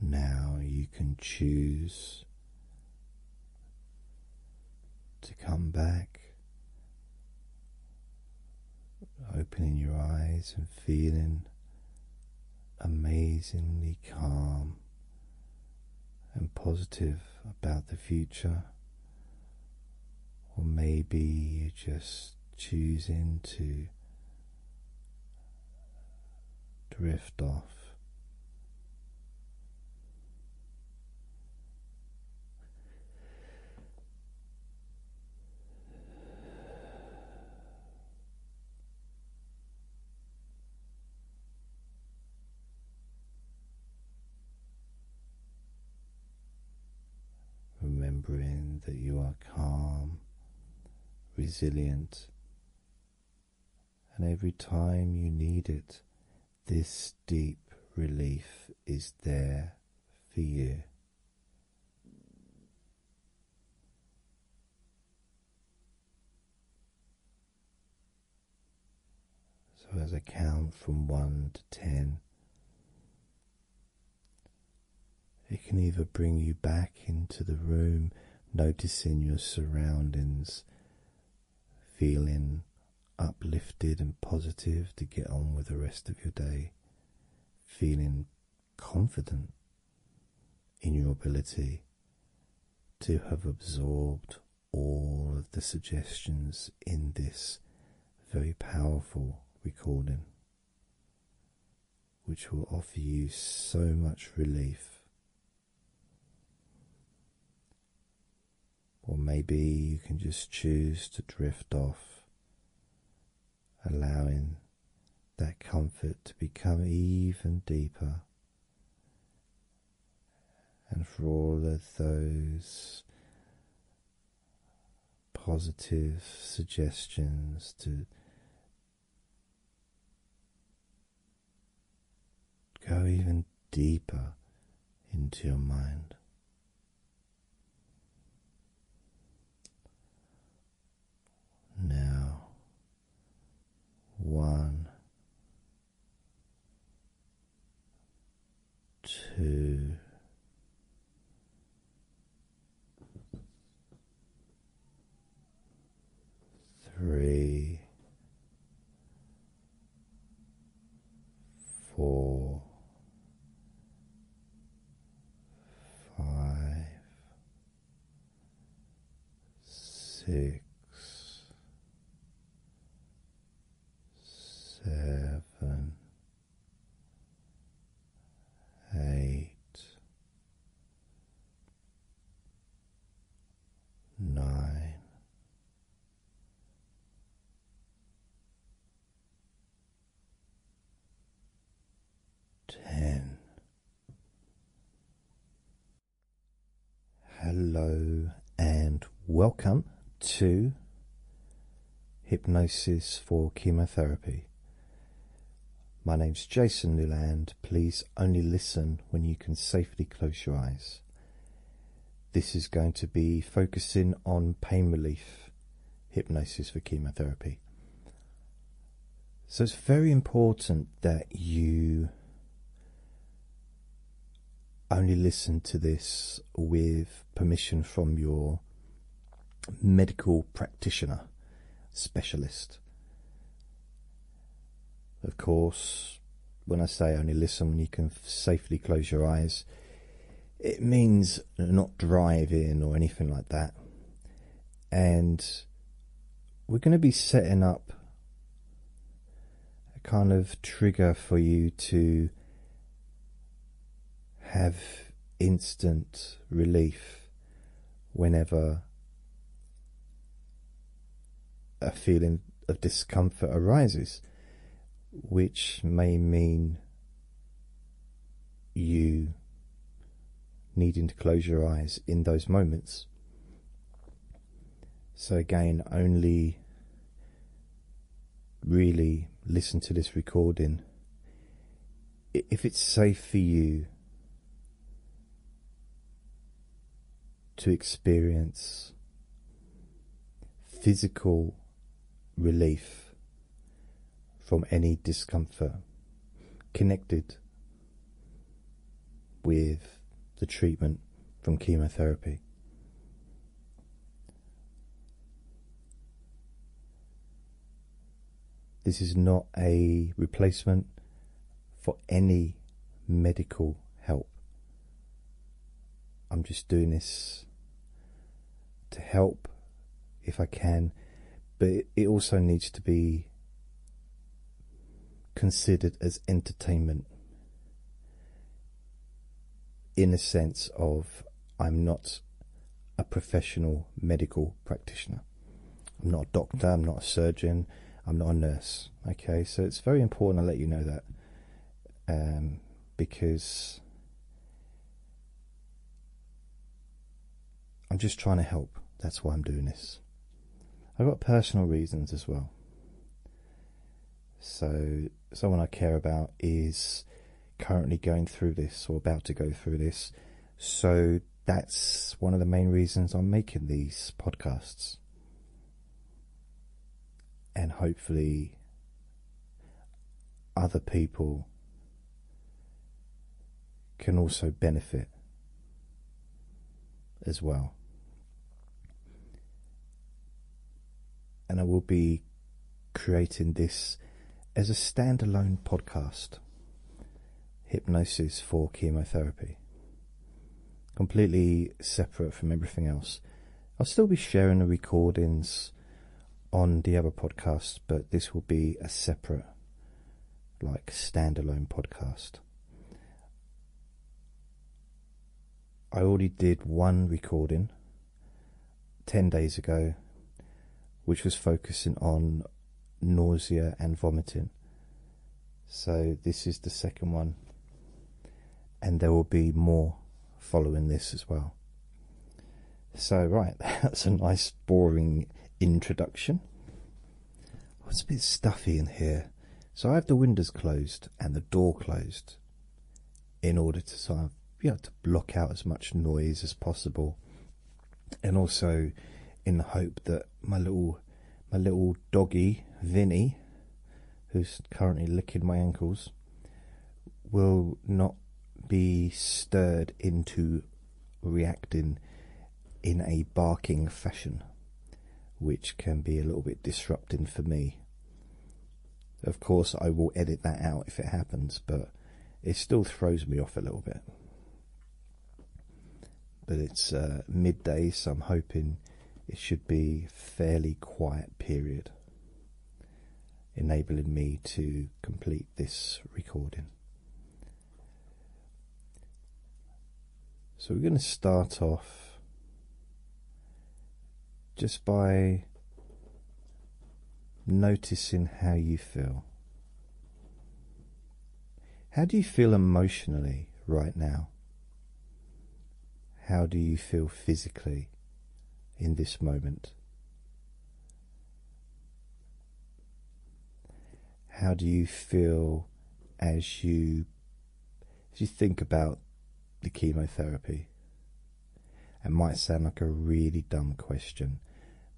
Now you can choose to come back, opening your eyes and feeling amazingly calm and positive about the future or maybe you're just choosing to drift off remembering that you are calm, resilient, and every time you need it, this deep relief is there for you. So, as I count from one to ten, it can either bring you back into the room, noticing your surroundings, feeling uplifted and positive to get on with the rest of your day, feeling confident in your ability to have absorbed all of the suggestions in this very powerful recording which will offer you so much relief. Or maybe you can just choose to drift off, allowing that comfort to become even deeper. And for all of those positive suggestions to go even deeper into your mind. Now, one Two, three, four, five, six, seven eight, nine, ten. Hello and welcome to hypnosis for chemotherapy. My name's Jason Newland. Please only listen when you can safely close your eyes. This is going to be focusing on pain relief hypnosis for chemotherapy. So it's very important that you only listen to this with permission from your medical practitioner specialist. Of course, when I say only listen when you can safely close your eyes, it means not driving or anything like that. And we're going to be setting up a kind of trigger for you to have instant relief whenever a feeling of discomfort arises, which may mean you needing to close your eyes in those moments. So, again, only really listen to this recording if it's safe for you to experience physical relief from any discomfort connected with the treatment from chemotherapy. This is not a replacement for any medical help. I'm just doing this to help if I can, but it also needs to be considered as entertainment in a sense of I'm not a professional medical practitioner. I'm not a doctor, I'm not a surgeon, I'm not a nurse. Okay, so it's very important I let you know that um, because I'm just trying to help. That's why I'm doing this. I've got personal reasons as well. So, someone I care about is currently going through this or about to go through this. So that's one of the main reasons I'm making these podcasts. And hopefully, other people can also benefit as well. And I will be creating this as a standalone podcast hypnosis for chemotherapy. Completely separate from everything else. I'll still be sharing the recordings on the other podcast, but this will be a separate, like, standalone podcast. I already did one recording 10 days ago, which was focusing on nausea and vomiting. So, this is the second one, and there will be more following this as well. So, right, that's a nice, boring introduction. it's a bit stuffy in here, so I have the windows closed and the door closed in order to sort of, you know, to block out as much noise as possible and also in the hope that my little my little doggy Vinny, who's currently licking my ankles, will not be stirred into reacting in a barking fashion, which can be a little bit disrupting for me. Of course, I will edit that out if it happens, but it still throws me off a little bit. But it's uh, midday, so I'm hoping it should be fairly quiet period, enabling me to complete this recording. So we're going to start off just by noticing how you feel. How do you feel emotionally right now? How do you feel physically in this moment? How do you feel as you as you think about the chemotherapy? It might sound like a really dumb question,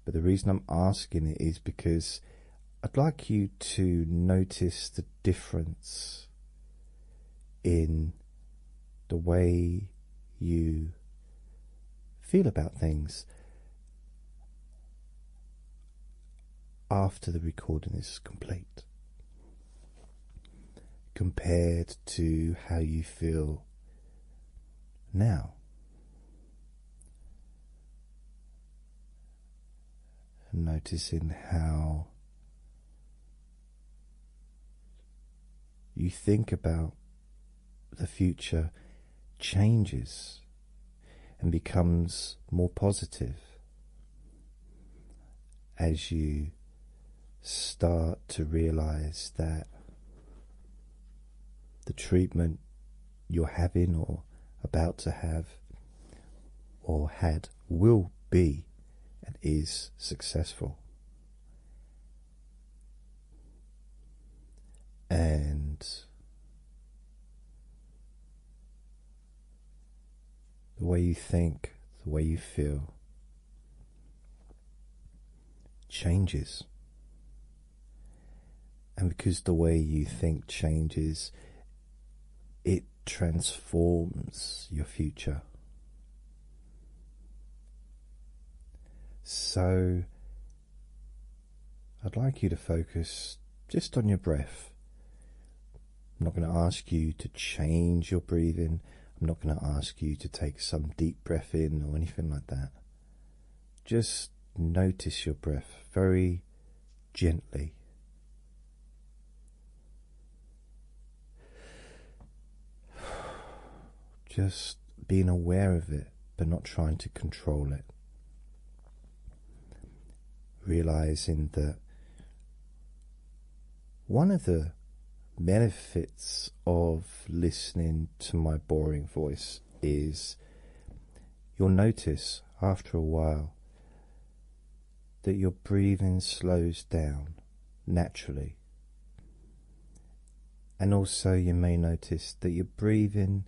but the reason I'm asking it is because I'd like you to notice the difference in the way you feel about things after the recording is complete compared to how you feel now and noticing how you think about the future changes and becomes more positive as you start to realize that the treatment you're having or about to have or had will be and is successful. And the way you think, the way you feel changes and because the way you think changes, it transforms your future. So, I'd like you to focus just on your breath. I'm not going to ask you to change your breathing. I'm not going to ask you to take some deep breath in or anything like that. Just notice your breath very gently. Just being aware of it, but not trying to control it. Realizing that one of the benefits of listening to my boring voice is you'll notice after a while that your breathing slows down naturally. And also, you may notice that your breathing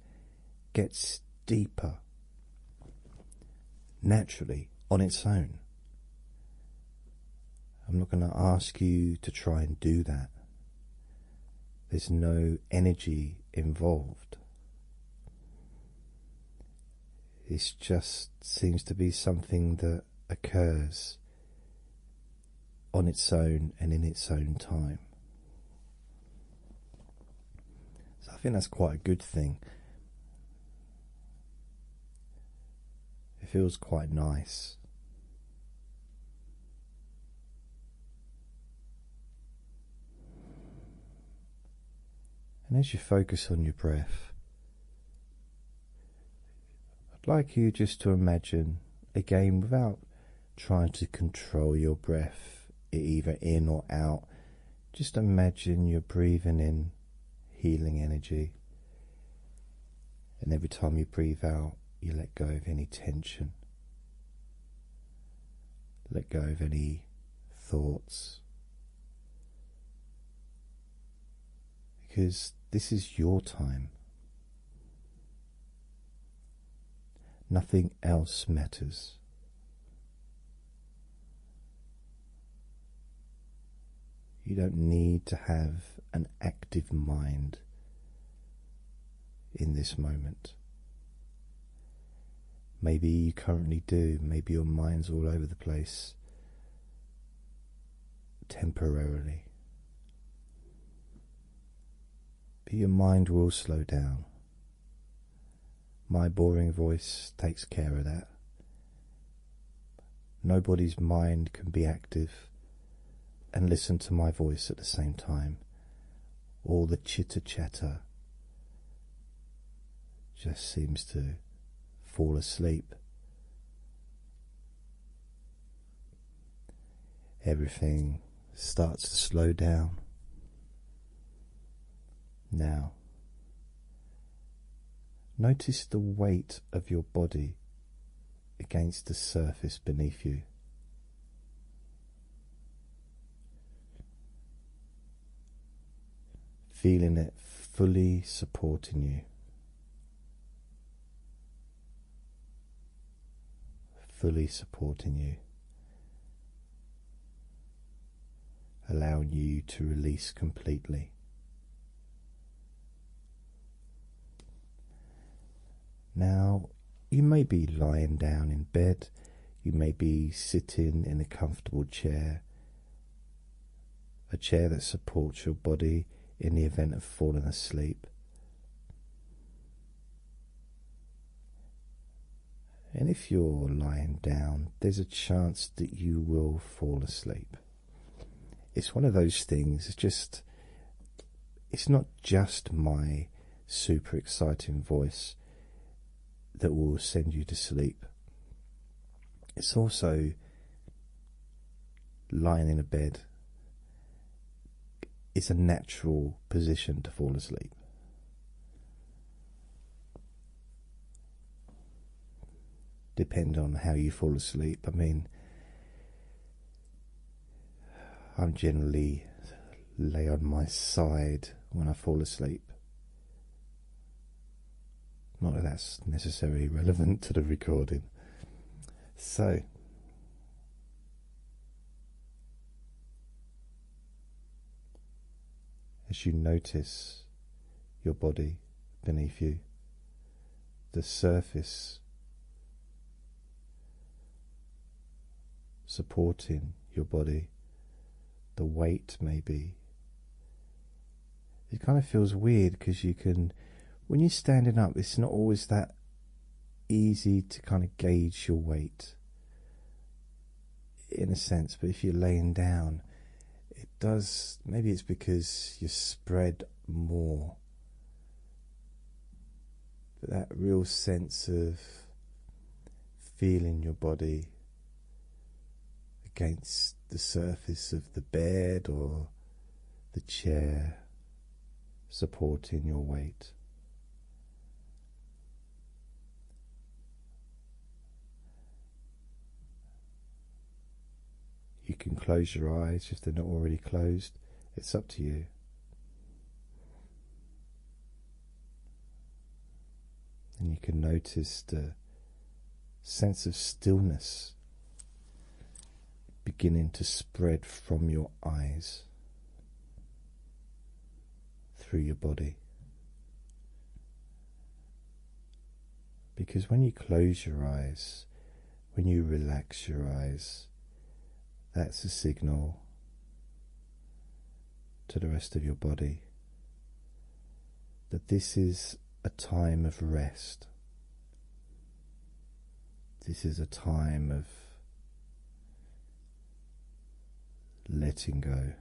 gets deeper naturally on its own. I'm not going to ask you to try and do that. There's no energy involved. It just seems to be something that occurs on its own and in its own time. So I think that's quite a good thing. It feels quite nice. And as you focus on your breath, I'd like you just to imagine again without trying to control your breath either in or out. Just imagine you're breathing in healing energy, and every time you breathe out, you let go of any tension. Let go of any thoughts. Because this is your time. Nothing else matters. You don't need to have an active mind in this moment. Maybe you currently do, maybe your mind's all over the place temporarily. But your mind will slow down. My boring voice takes care of that. Nobody's mind can be active and listen to my voice at the same time all the chitter chatter just seems to fall asleep. Everything starts to slow down. Now, notice the weight of your body against the surface beneath you. Feeling it fully supporting you, fully supporting you, allowing you to release completely. Now you may be lying down in bed, you may be sitting in a comfortable chair, a chair that supports your body in the event of falling asleep. And if you're lying down, there's a chance that you will fall asleep. It's one of those things, it's just, it's not just my super exciting voice that will send you to sleep. It's also lying in a bed. It's a natural position to fall asleep. Depend on how you fall asleep. I mean, I'm generally lay on my side when I fall asleep. Not that that's necessarily relevant to the recording. So, as you notice your body beneath you, the surface supporting your body, the weight maybe. It kind of feels weird because you can, when you're standing up, it's not always that easy to kind of gauge your weight in a sense, but if you're laying down, it does maybe it's because you're spread more but that real sense of feeling your body against the surface of the bed or the chair supporting your weight. You can close your eyes if they're not already closed, it's up to you. And you can notice the sense of stillness beginning to spread from your eyes through your body. Because when you close your eyes, when you relax your eyes, that's a signal to the rest of your body that this is a time of rest. This is a time of letting go.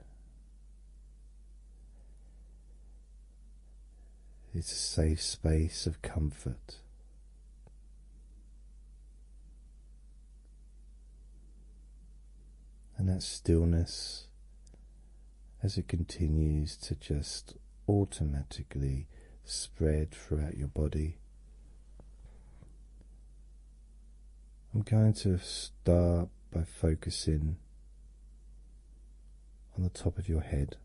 It's a safe space of comfort and that stillness as it continues to just automatically spread throughout your body. I'm going to start by focusing on the top of your head.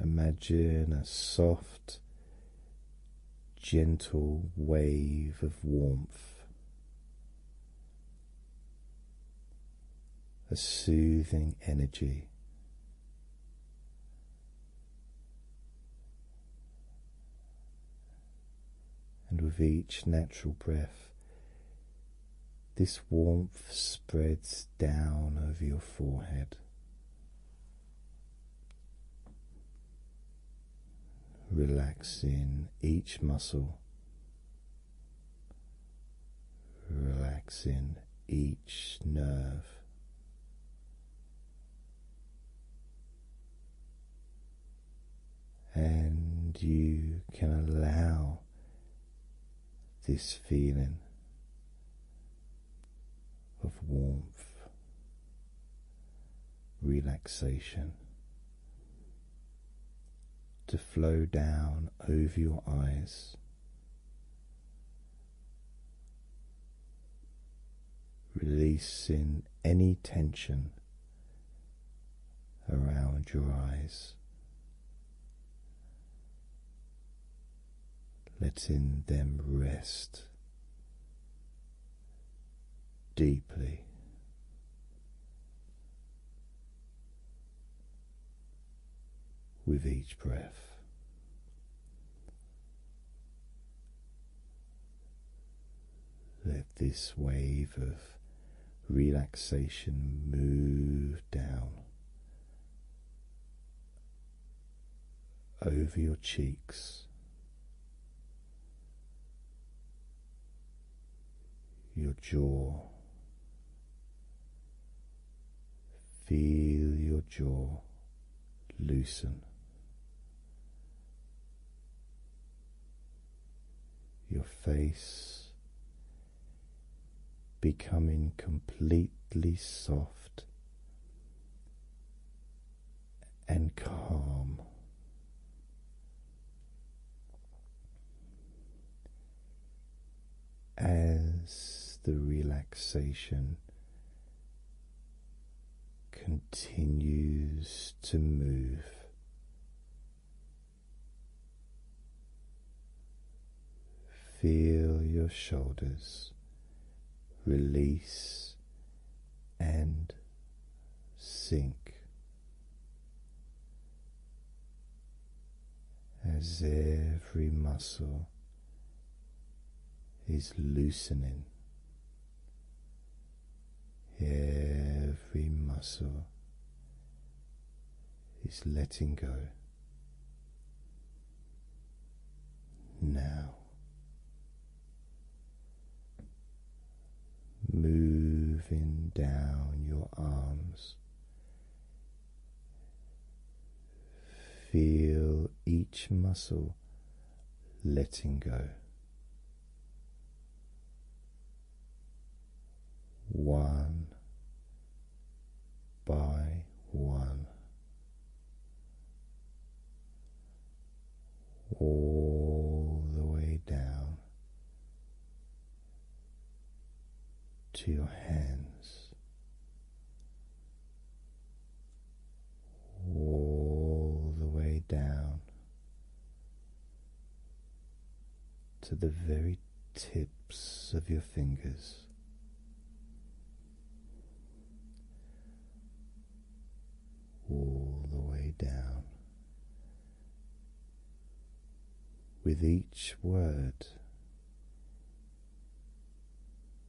Imagine a soft gentle wave of warmth, a soothing energy. And with each natural breath, this warmth spreads down over your forehead, relaxing each muscle, relaxing each nerve. And you can allow this feeling of warmth, relaxation to flow down over your eyes. Releasing any tension around your eyes, letting them rest deeply. With each breath, let this wave of relaxation move down over your cheeks. Your jaw. Feel your jaw loosen. Your face becoming completely soft and calm. As the relaxation continues to move, feel your shoulders release and sink as every muscle is loosening. Every muscle is letting go now moving down your arms. Feel each muscle letting go. One by one, all the way down to your hands, all the way down to the very tips of your fingers all the way down. With each word,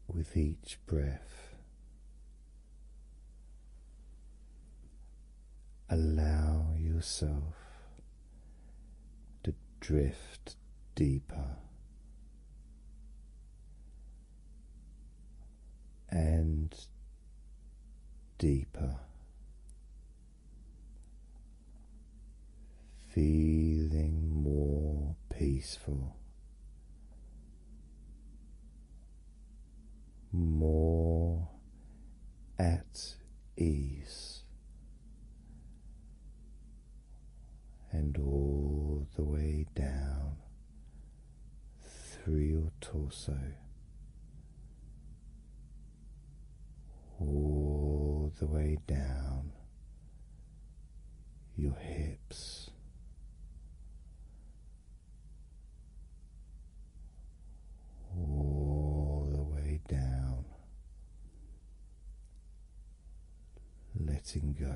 with each breath, allow yourself to drift deeper and deeper, feeling more peaceful, more at ease. And all the way down through your torso, all the way down your hips. All the way down, letting go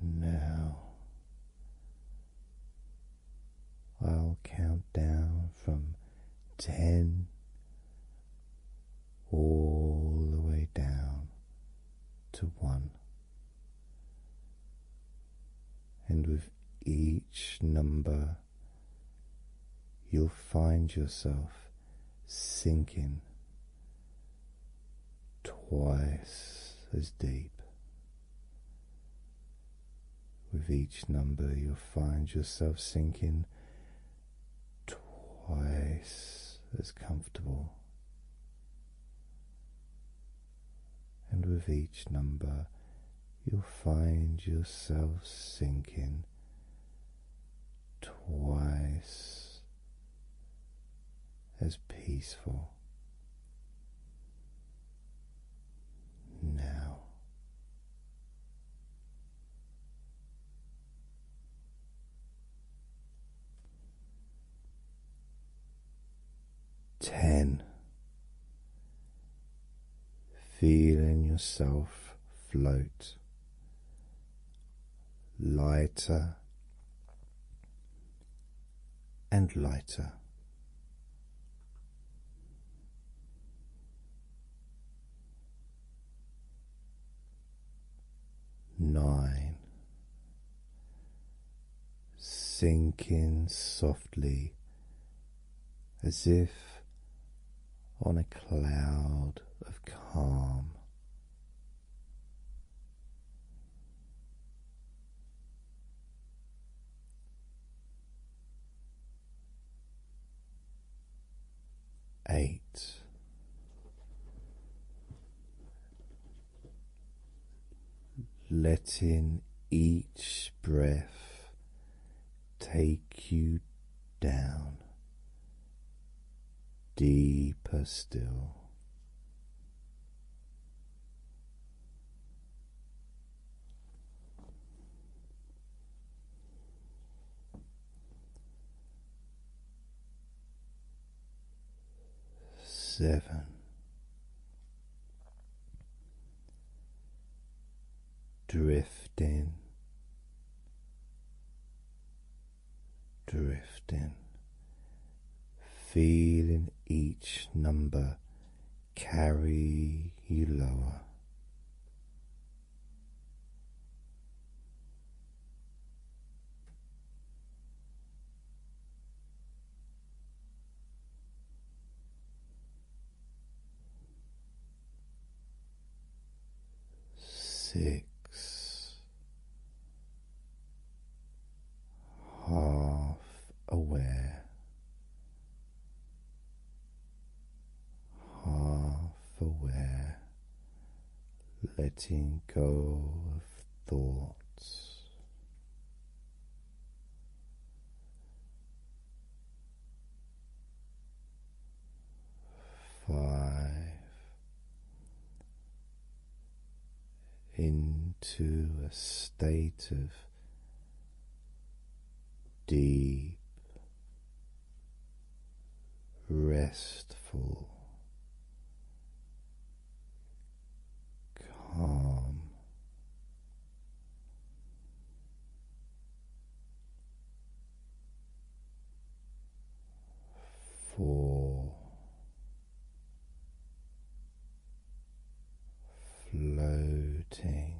Now I'll count down from ten all the way down to one, and with each number, you'll find yourself sinking twice as deep. With each number, you'll find yourself sinking twice as comfortable. And with each number, you'll find yourself sinking twice as peaceful now. Ten, feeling yourself float lighter and lighter. Nine. Sink softly as if on a cloud of calm. Eight. Letting each breath take you down deeper still. Seven, drifting, drifting feeling each number carry you lower. Six, half aware, half aware, letting go of thoughts. Five, into a state of deep, restful, calm. Four, floating.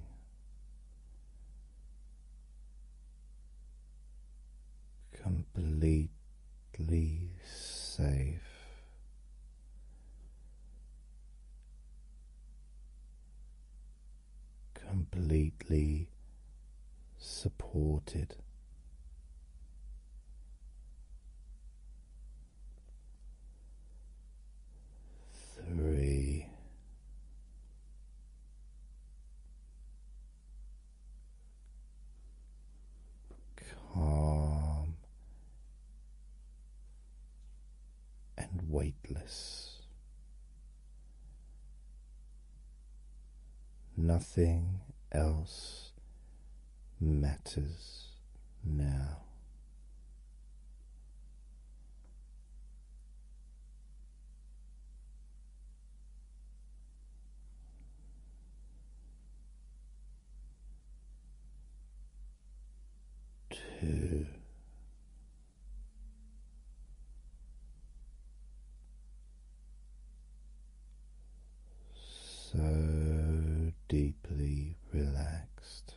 Completely safe, completely supported, three. Calm and weightless, nothing else matters now. Two so deeply relaxed.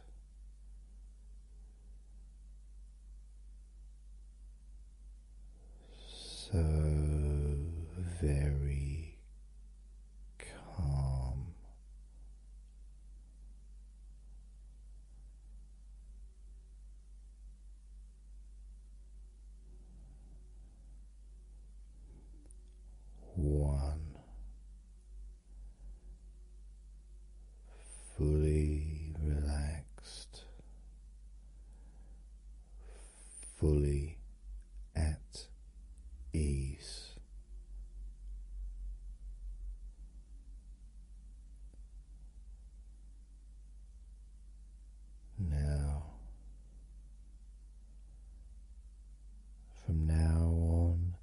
So very calm, one fully relaxed, fully at ease. Now from now on,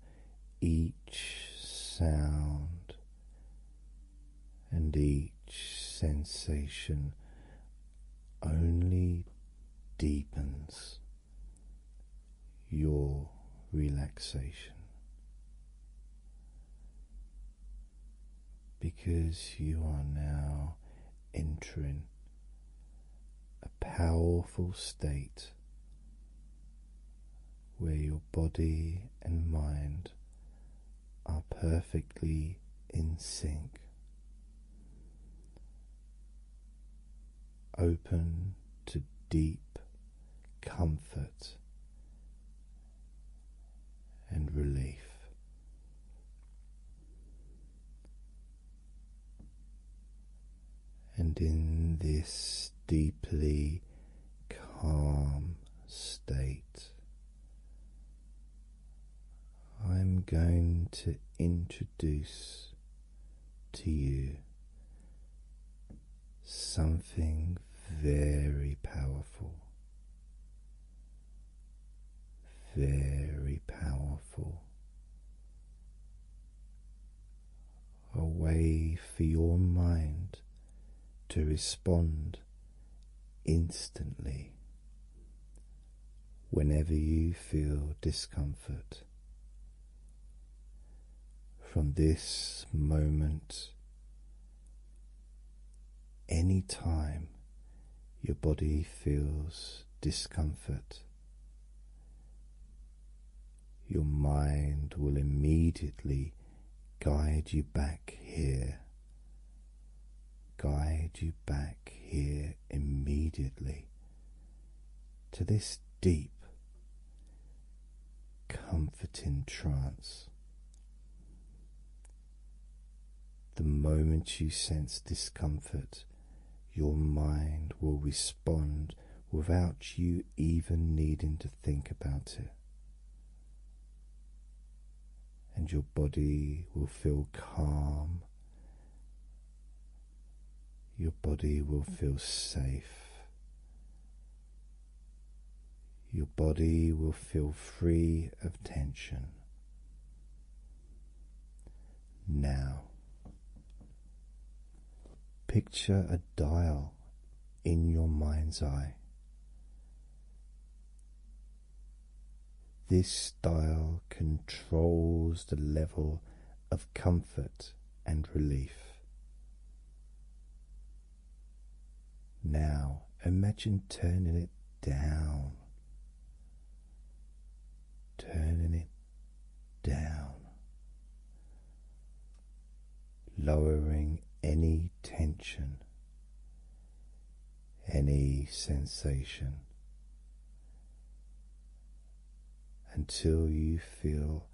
each sound and each sensation only deepens your relaxation. Because you are now entering powerful state where your body and mind are perfectly in sync. Open to deep comfort and relief. And in this deeply calm state, I'm going to introduce to you something very powerful. Very powerful a way for your mind to respond instantly whenever you feel discomfort. From this moment, any time your body feels discomfort, your mind will immediately guide you back here, guide you back here immediately to this deep, comforting trance. The moment you sense discomfort, your mind will respond without you even needing to think about it. And your body will feel calm. Your body will feel safe. Your body will feel free of tension. Now, Picture a dial in your mind's eye. This dial controls the level of comfort and relief. Now imagine turning it down, turning it down, lowering any tension, any sensation until you feel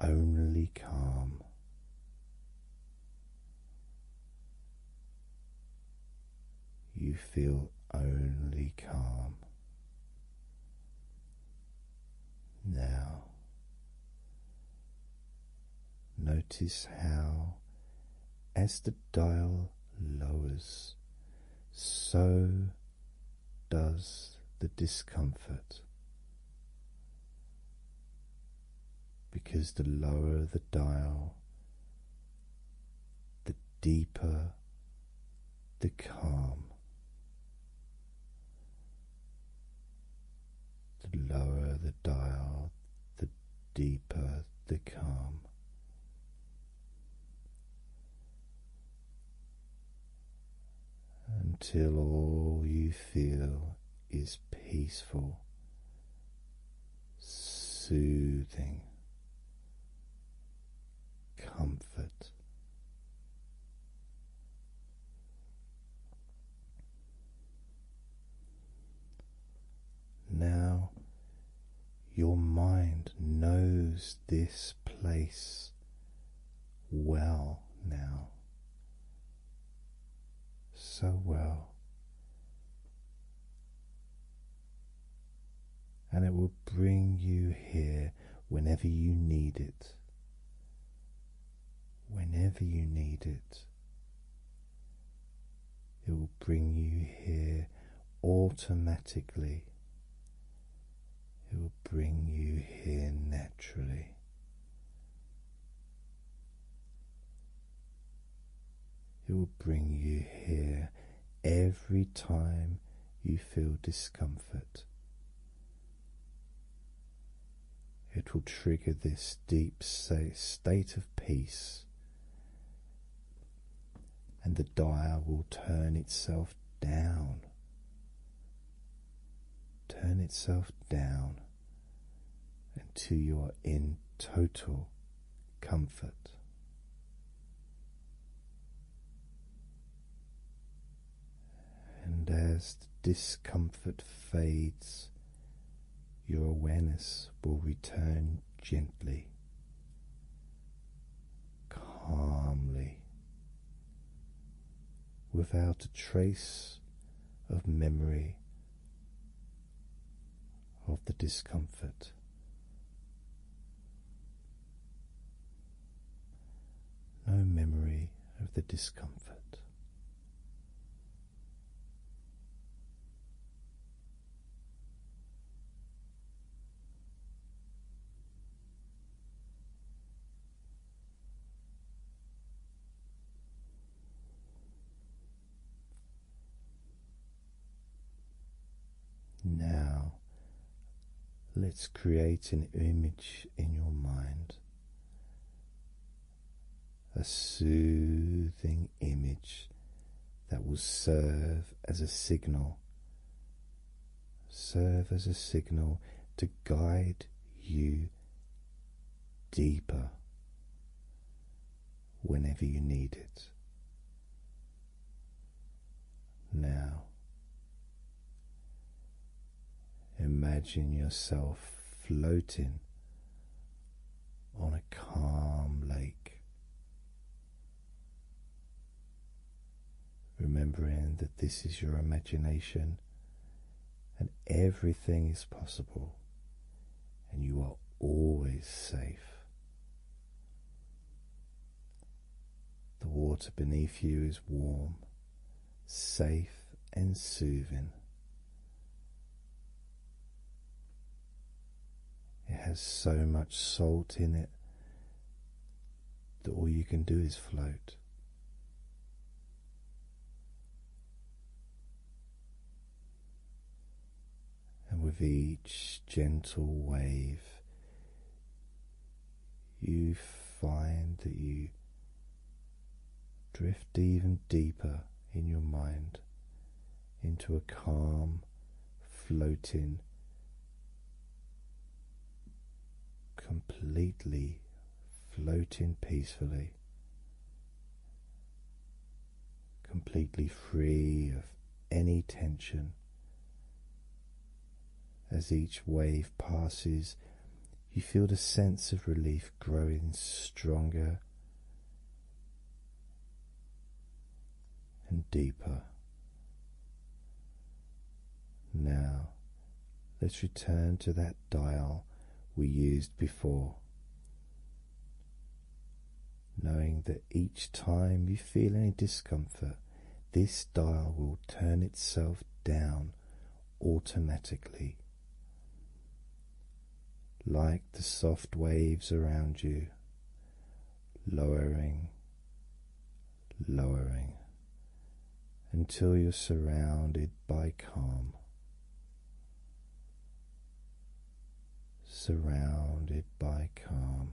only calm. You feel only calm. Now, notice how, as the dial lowers, so does the discomfort. Because the lower the dial, the deeper the calm. The lower the dial, the deeper the calm. Until all you feel is peaceful, soothing, comfort. Now your mind knows this place well now, so well, and it will bring you here whenever you need it. Whenever you need it, it will bring you here automatically. It will bring you here naturally. It will bring you here every time you feel discomfort. It will trigger this deep state of peace, and the dial will turn itself down. Turn itself down until you are in total comfort. And as the discomfort fades, your awareness will return gently, calmly, without a trace of memory of the discomfort no memory of the discomfort. Now Let's create an image in your mind, a soothing image that will serve as a signal, serve as a signal to guide you deeper whenever you need it. Now, Imagine yourself floating on a calm lake, remembering that this is your imagination and everything is possible, and you are always safe. The water beneath you is warm safe and soothing. It has so much salt in it that all you can do is float. And with each gentle wave, you find that you drift even deeper in your mind into a calm, floating, completely floating peacefully, completely free of any tension. As each wave passes, you feel the sense of relief growing stronger and deeper. Now, let's return to that dial we used before. Knowing that each time you feel any discomfort, this dial will turn itself down automatically, like the soft waves around you, lowering, lowering until you're surrounded by calm. Surrounded by calm,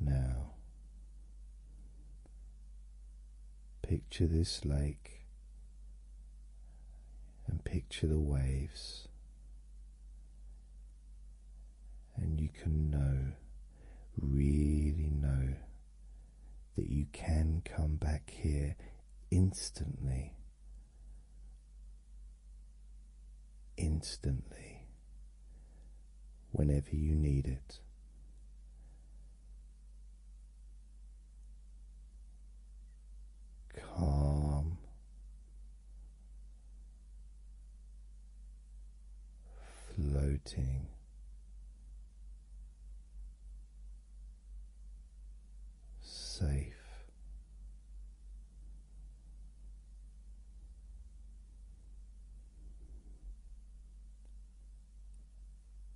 now, picture this lake and picture the waves, and you can know, really know, that you can come back here instantly. Instantly, whenever you need it. Calm, floating, safe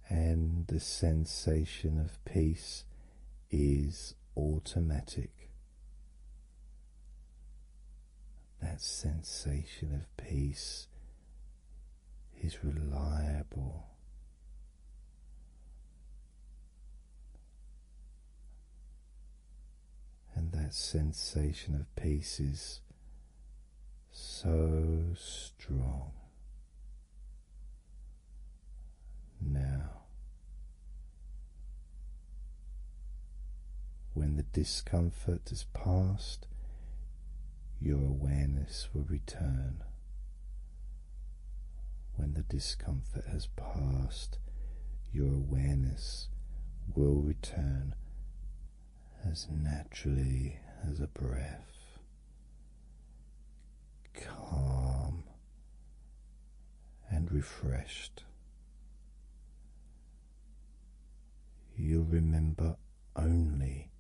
and the sensation of peace is automatic. That sensation of peace is reliable. And that sensation of peace is so strong now. When the discomfort has passed, your awareness will return. When the discomfort has passed, your awareness will return as naturally as a breath, calm and refreshed. You'll remember only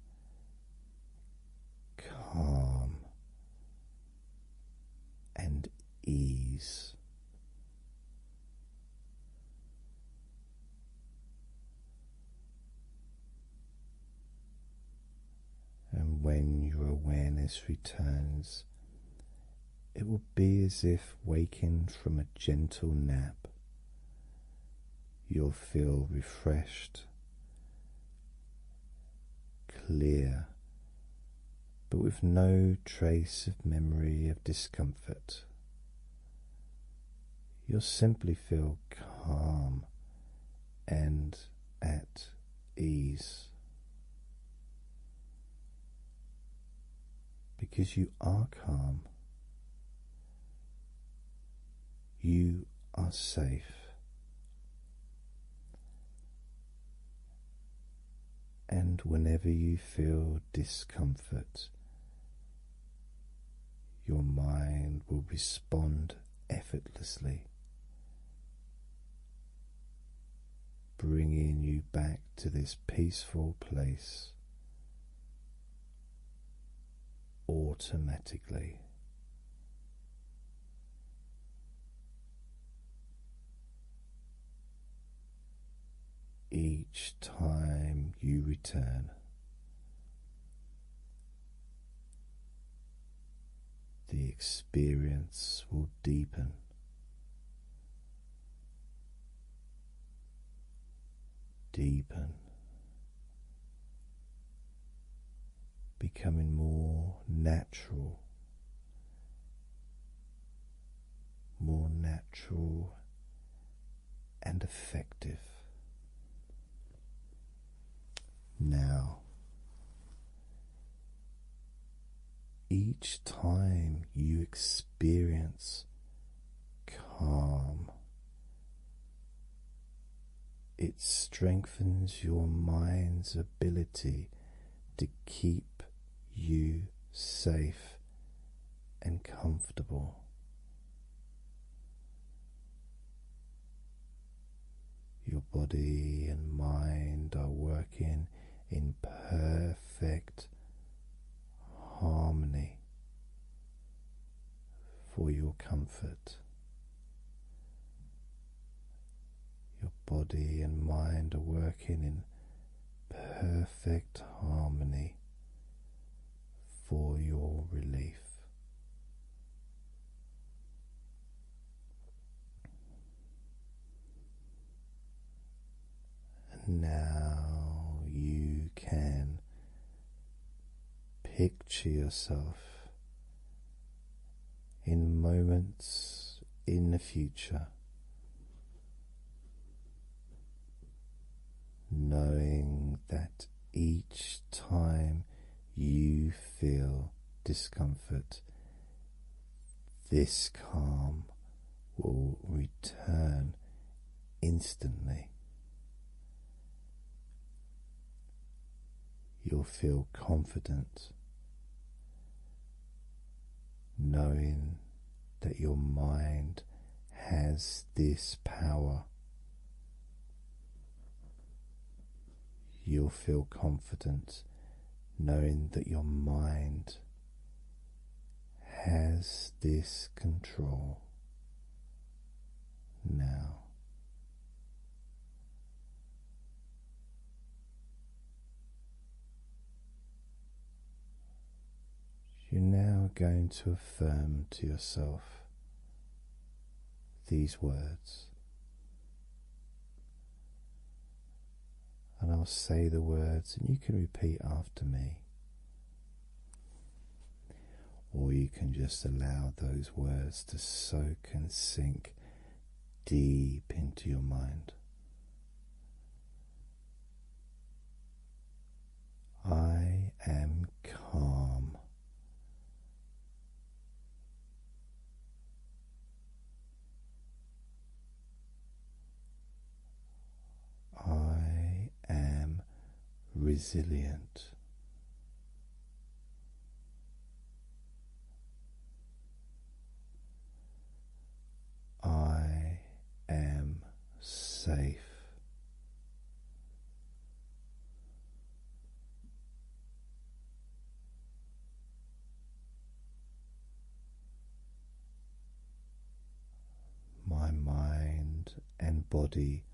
calm and ease. And when your awareness returns, it will be as if waking from a gentle nap. You'll feel refreshed, clear, but with no trace of memory of discomfort you'll simply feel calm and at ease because you are calm. You are safe. And whenever you feel discomfort your mind will respond effortlessly, bringing you back to this peaceful place automatically. Each time you return, the experience will deepen. Deepen, becoming more natural, more natural and effective. Now, each time you experience calm, it strengthens your mind's ability to keep you safe and comfortable. Your body and mind are working in perfect harmony for your comfort. Your body and mind are working in perfect harmony for your relief. And now you can picture yourself in moments in the future knowing that each time you feel discomfort, this calm will return instantly. You'll feel confident knowing that your mind has this power You'll feel confident knowing that your mind has this control now. You're now going to affirm to yourself these words. And I'll say the words, and you can repeat after me. Or you can just allow those words to soak and sink deep into your mind. I am calm. I am resilient. I am safe. My mind and body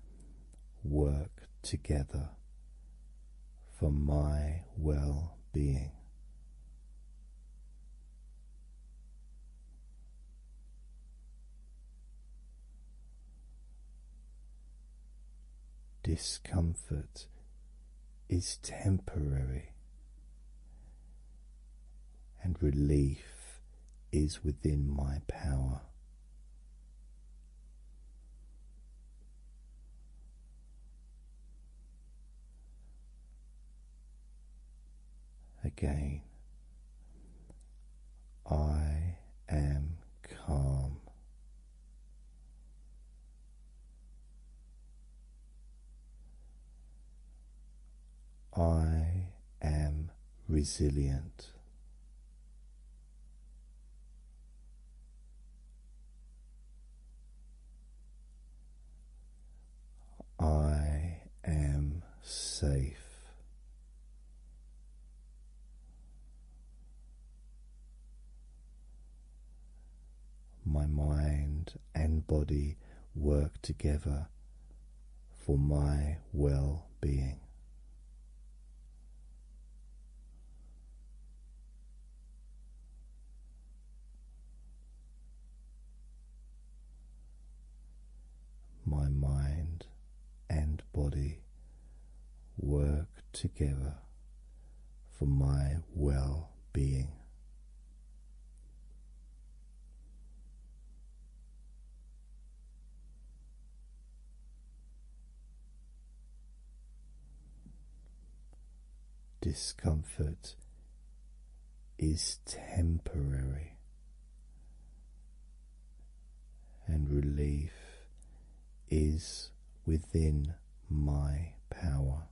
work together for my well being. Discomfort is temporary, and relief is within my power. Again, I am calm. I am resilient. I am safe. My mind and body work together for my well being. My mind and body work together for my well being. Discomfort is temporary, and relief is within my power.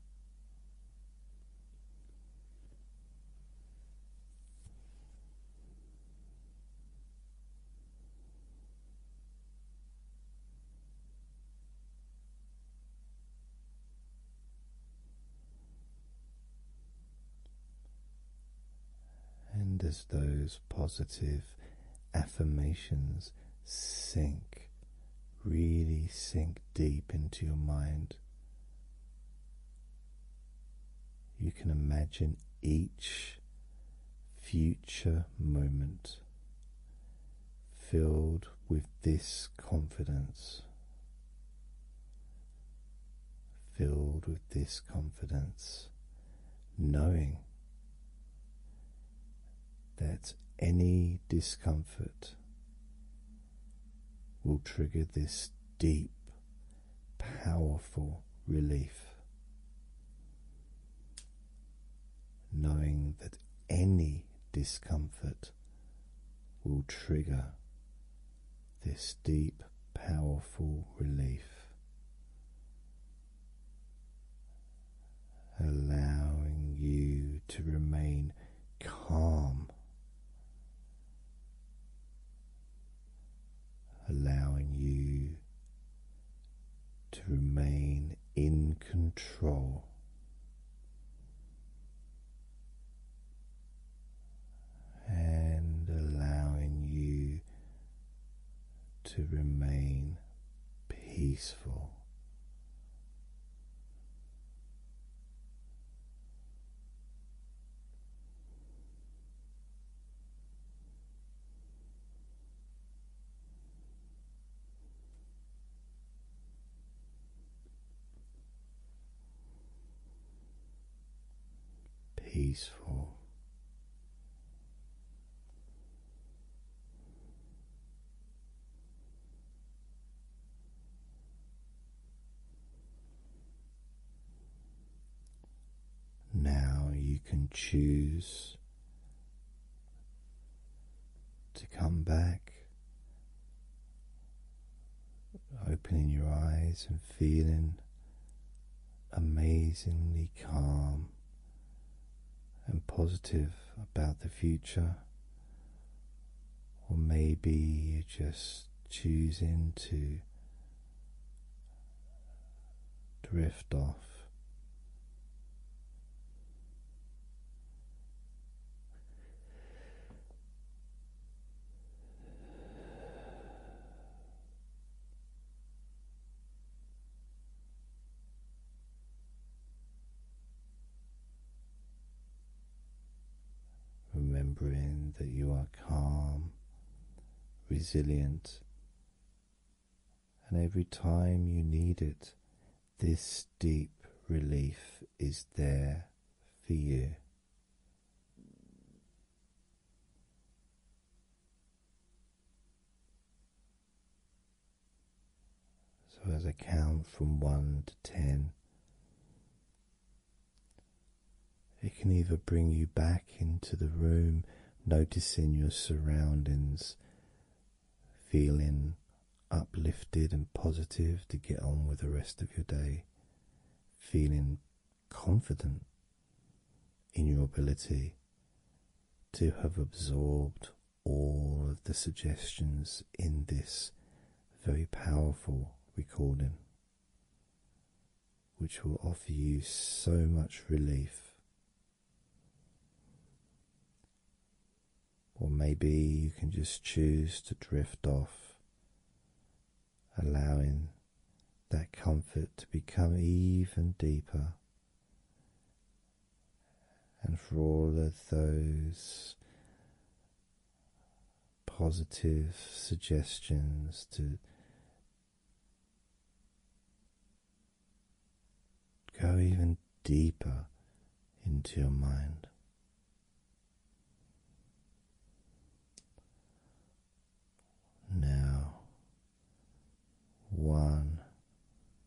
And as those positive affirmations sink, really sink deep into your mind, you can imagine each future moment filled with this confidence. Filled with this confidence, knowing that any discomfort will trigger this deep, powerful relief. Knowing that any discomfort will trigger this deep, powerful relief allowing you to remain calm, allowing you to remain in control. And allowing you to remain peaceful. Peaceful, now you can choose to come back, opening your eyes and feeling amazingly calm and positive about the future, or maybe you're just choosing to drift off. Remembering that you are calm, resilient, and every time you need it, this deep relief is there for you. So, as I count from one to ten, it can either bring you back into the room, noticing your surroundings, feeling uplifted and positive to get on with the rest of your day, feeling confident in your ability to have absorbed all of the suggestions in this very powerful recording, which will offer you so much relief. Or maybe you can just choose to drift off, allowing that comfort to become even deeper and for all of those positive suggestions to go even deeper into your mind. Now, one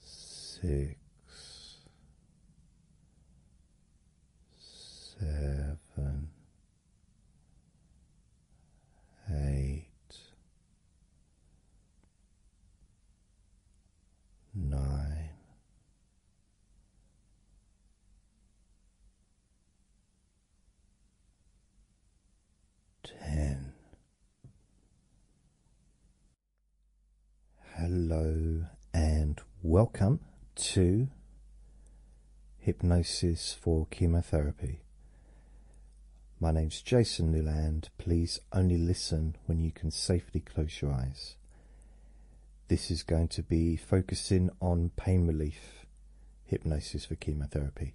Six, seven, eight, nine, ten. Hello and welcome to Hypnosis for Chemotherapy. My name is Jason Newland. Please only listen when you can safely close your eyes. This is going to be focusing on pain relief hypnosis for chemotherapy.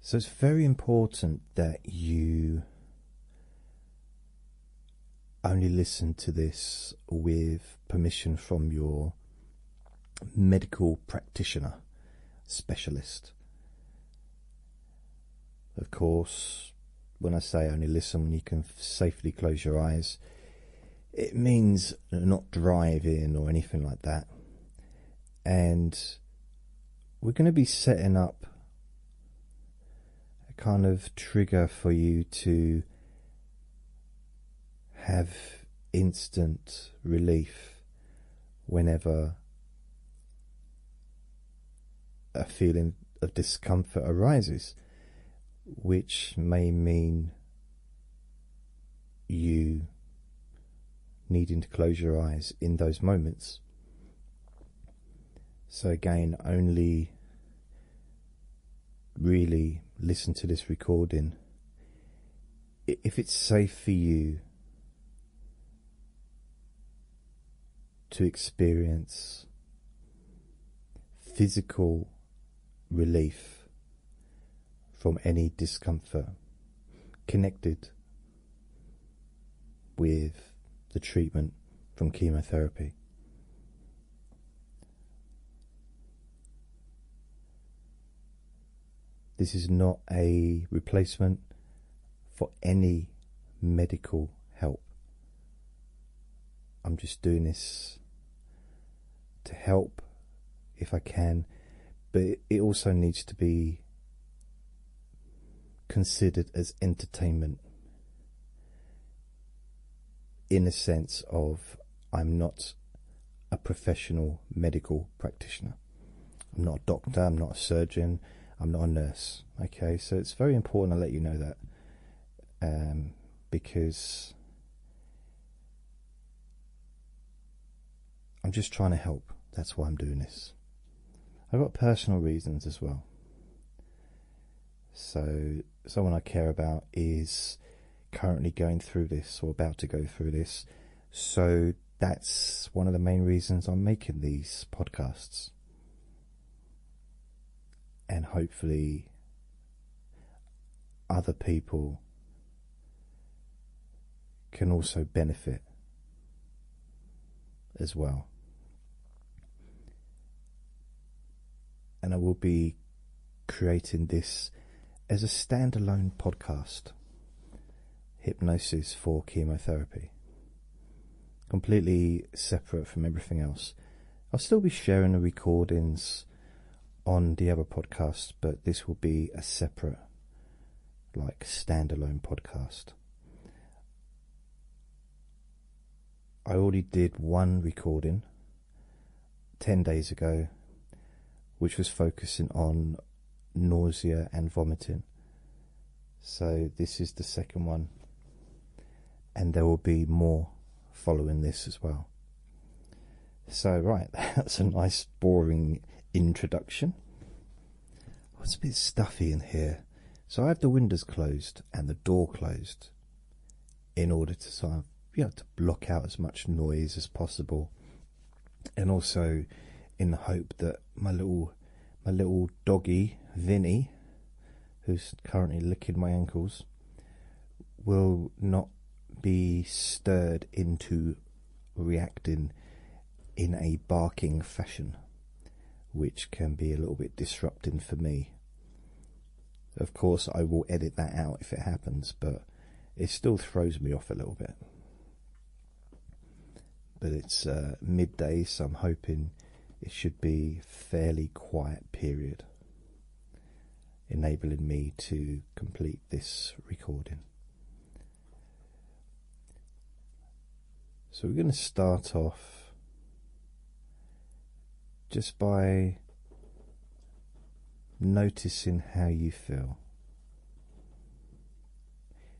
So it's very important that you only listen to this with permission from your medical practitioner specialist. Of course, when I say only listen, when you can safely close your eyes. It means not driving or anything like that. And we're going to be setting up a kind of trigger for you to have instant relief whenever a feeling of discomfort arises, which may mean you needing to close your eyes in those moments. So, again, only really listen to this recording if it's safe for you to experience physical relief from any discomfort connected with the treatment from chemotherapy. This is not a replacement for any medical help. I'm just doing this to help if I can, but it also needs to be considered as entertainment in a sense of I'm not a professional medical practitioner. I'm not a doctor, I'm not a surgeon, I'm not a nurse. Okay, so it's very important I let you know that um, because I'm just trying to help. That's why I'm doing this. I've got personal reasons as well. So, someone I care about is currently going through this or about to go through this. So, that's one of the main reasons I'm making these podcasts. And hopefully, other people can also benefit as well. And I will be creating this as a standalone podcast Hypnosis for Chemotherapy. Completely separate from everything else. I'll still be sharing the recordings on the other podcast, but this will be a separate, like, standalone podcast. I already did one recording 10 days ago, which was focusing on nausea and vomiting. So, this is the second one, and there will be more following this as well. So, right, that's a nice, boring introduction. it's a bit stuffy in here so I have the windows closed and the door closed in order to sort of, you know, to block out as much noise as possible, and also in the hope that my little my little doggy Vinny, who's currently licking my ankles, will not be stirred into reacting in a barking fashion which can be a little bit disrupting for me. Of course, I will edit that out if it happens, but it still throws me off a little bit. But it's uh, midday, so I'm hoping it should be fairly quiet period, enabling me to complete this recording. So we're going to start off just by noticing how you feel.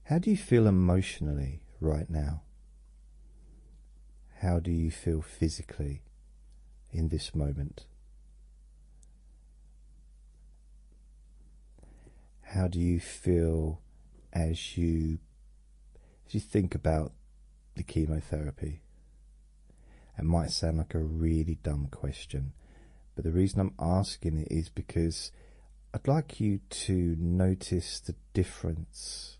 How do you feel emotionally right now? How do you feel physically in this moment? How do you feel as you if you think about the chemotherapy, it might sound like a really dumb question, but the reason I'm asking it is because I'd like you to notice the difference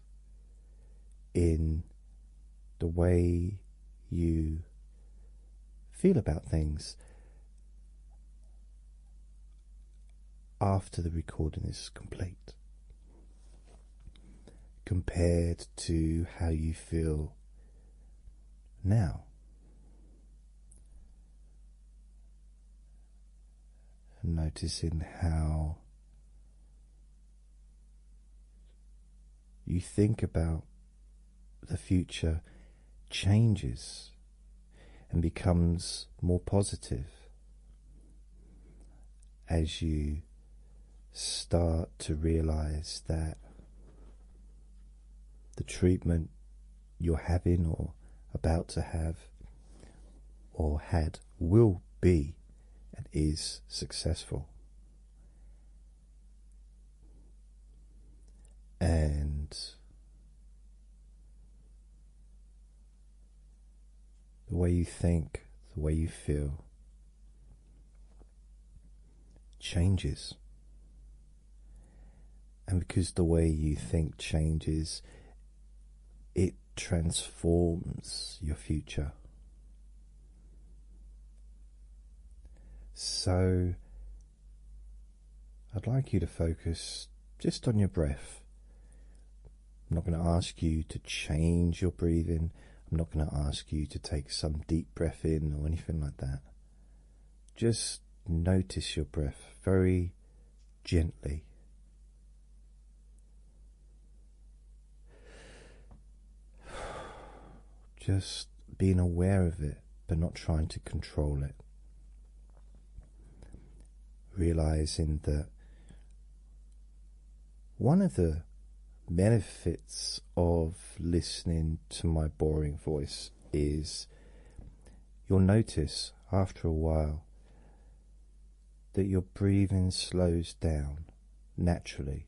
in the way you feel about things after the recording is complete compared to how you feel now. Noticing how you think about the future changes and becomes more positive as you start to realize that the treatment you're having or about to have or had will be and is successful. And the way you think, the way you feel changes. And because the way you think changes, it transforms your future. So, I'd like you to focus just on your breath. I'm not going to ask you to change your breathing. I'm not going to ask you to take some deep breath in or anything like that. Just notice your breath very gently. Just being aware of it, but not trying to control it. Realizing that one of the benefits of listening to my boring voice is you'll notice after a while that your breathing slows down naturally.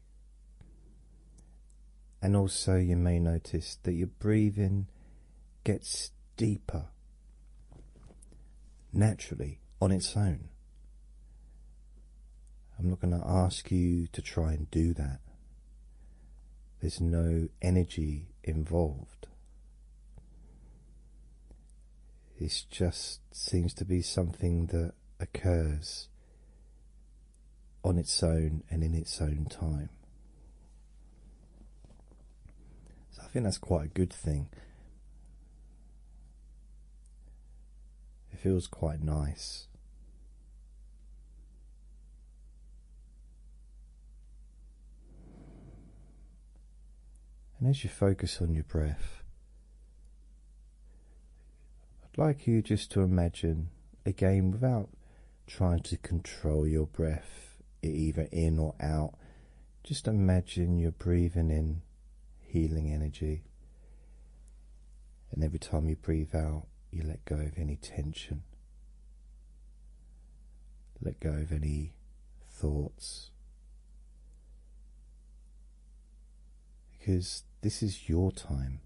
And also, you may notice that your breathing gets deeper naturally on its own. I'm not going to ask you to try and do that. There's no energy involved. It just seems to be something that occurs on its own and in its own time. So I think that's quite a good thing. It feels quite nice. And as you focus on your breath, I'd like you just to imagine again without trying to control your breath either in or out. Just imagine you're breathing in healing energy. And every time you breathe out, you let go of any tension, let go of any thoughts. Because this is your time.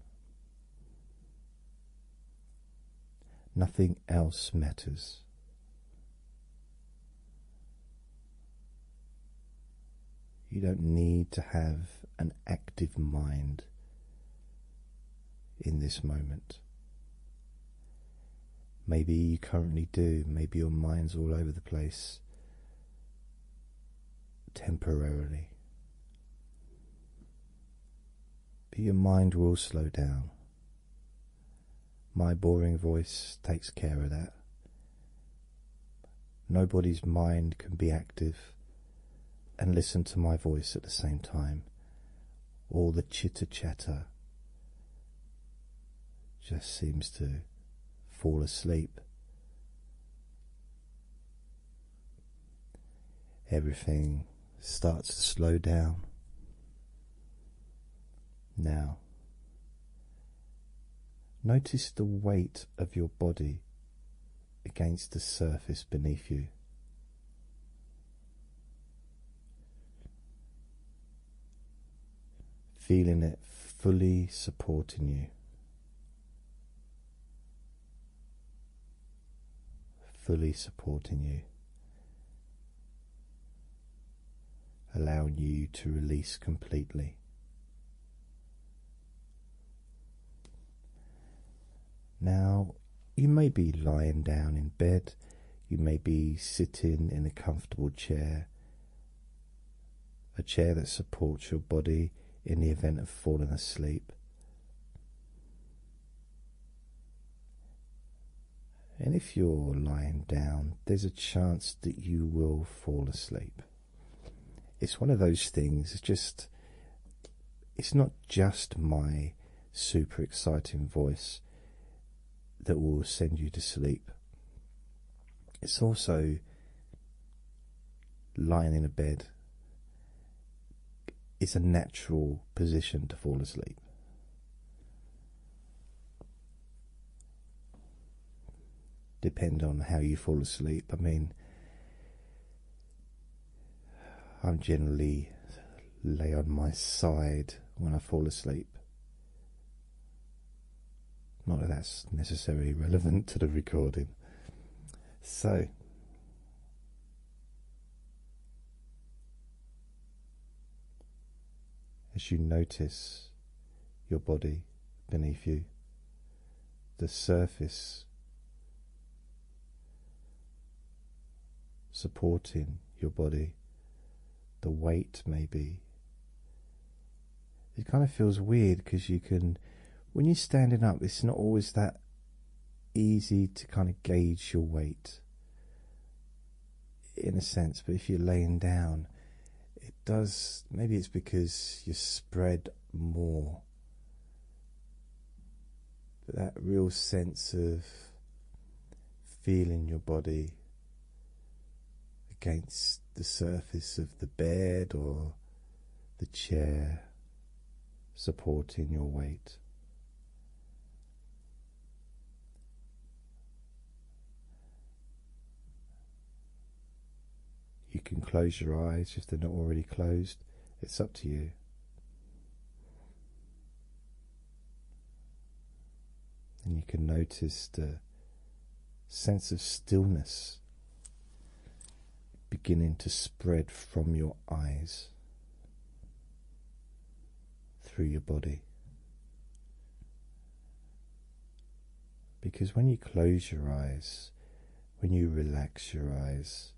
Nothing else matters. You don't need to have an active mind in this moment. Maybe you currently do, maybe your mind's all over the place temporarily. But your mind will slow down. My boring voice takes care of that. Nobody's mind can be active and listen to my voice at the same time. All the chitter chatter just seems to fall asleep. Everything starts to slow down. Now, Notice the weight of your body against the surface beneath you. Feeling it fully supporting you, fully supporting you, allowing you to release completely. Now, you may be lying down in bed, you may be sitting in a comfortable chair, a chair that supports your body in the event of falling asleep. And if you're lying down, there's a chance that you will fall asleep it's one of those things it's just it's not just my super exciting voice that will send you to sleep it's also lying in a bed it's a natural position to fall asleep depend on how you fall asleep. I mean, I'm generally lay on my side when I fall asleep. Not that that's necessarily relevant to the recording. So, as you notice your body beneath you, the surface supporting your body, the weight maybe. It kind of feels weird because you can, when you're standing up, it's not always that easy to kind of gauge your weight in a sense, but if you're laying down, does maybe it's because you spread more but that real sense of feeling your body against the surface of the bed or the chair supporting your weight you can close your eyes if they're not already closed. It's up to you. And you can notice the sense of stillness beginning to spread from your eyes through your body. Because when you close your eyes, when you relax your eyes,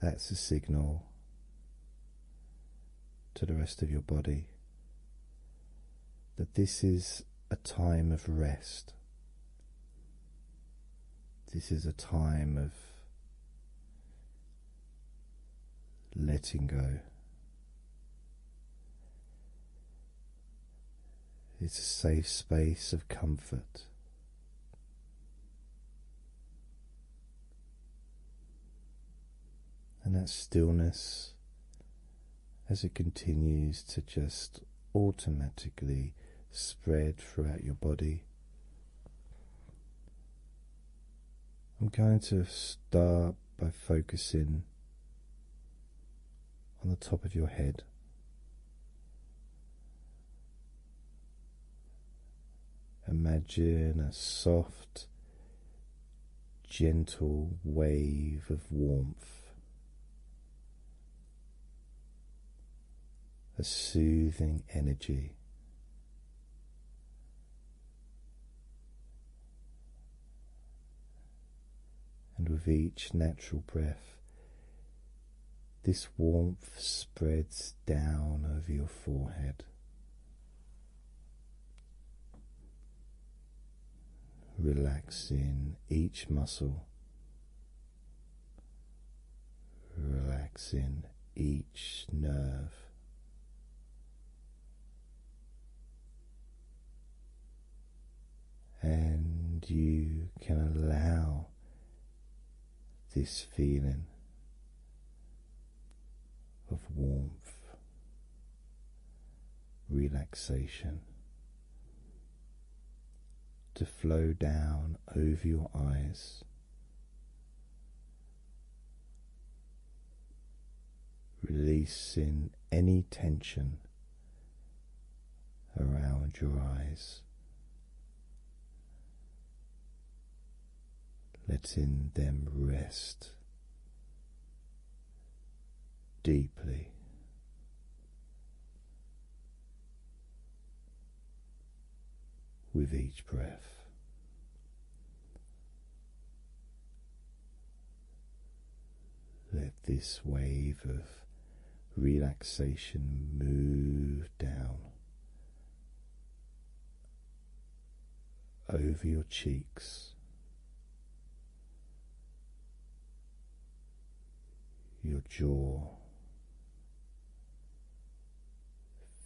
that's a signal to the rest of your body that this is a time of rest. This is a time of letting go. It's a safe space of comfort. And that stillness, as it continues to just automatically spread throughout your body, I'm going to start by focusing on the top of your head. Imagine a soft, gentle wave of warmth, a soothing energy and with each natural breath, this warmth spreads down over your forehead. Relaxing each muscle, relaxing each nerve and you can allow this feeling of warmth, relaxation to flow down over your eyes. Releasing any tension around your eyes, letting them rest deeply. With each breath, let this wave of relaxation move down over your cheeks, your jaw.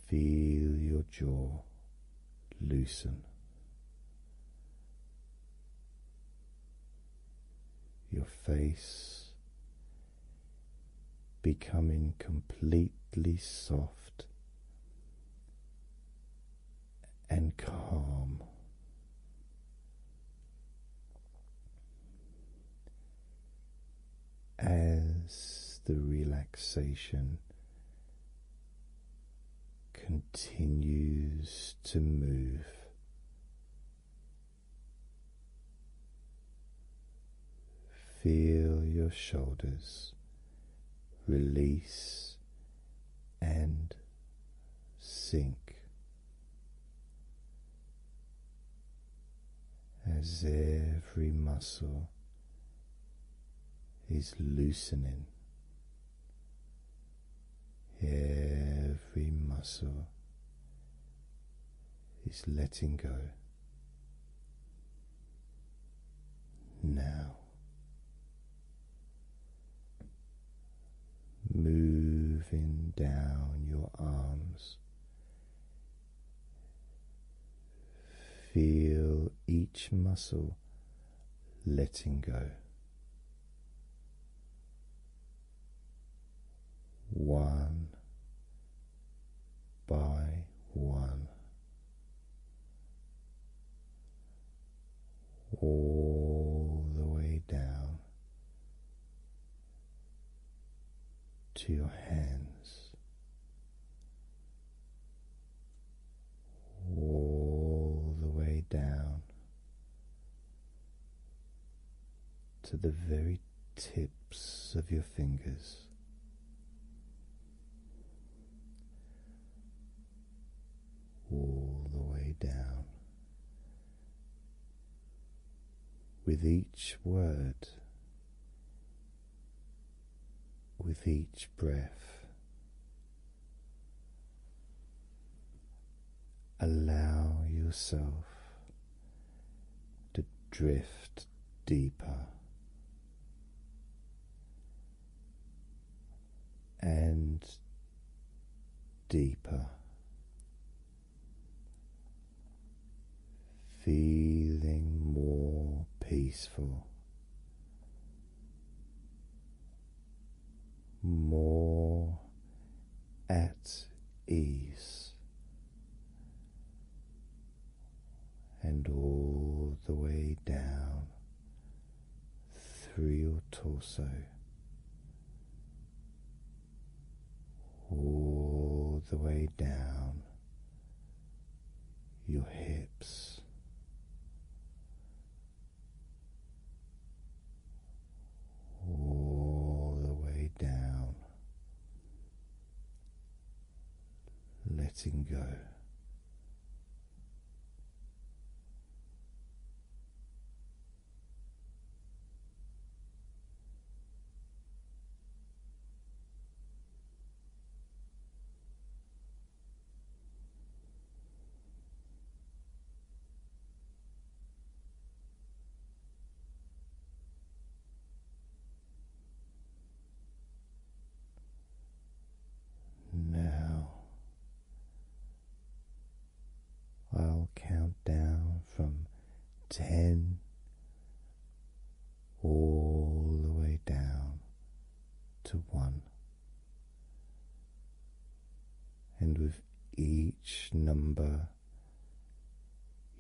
Feel your jaw loosen your face becoming completely soft and calm. As the relaxation continues to move Feel your shoulders release and sink as every muscle is loosening, every muscle is letting go. Now moving down your arms, feel each muscle letting go one by one, all the way down to your hands, all the way down to the very tips of your fingers. All the way down. With each word, with each breath, allow yourself to drift deeper. And deeper, feeling more peaceful, more at ease and all the way down through your torso, all the way down your hips all the way down, letting go. Now I'll count down from ten all the way down to one, and with each number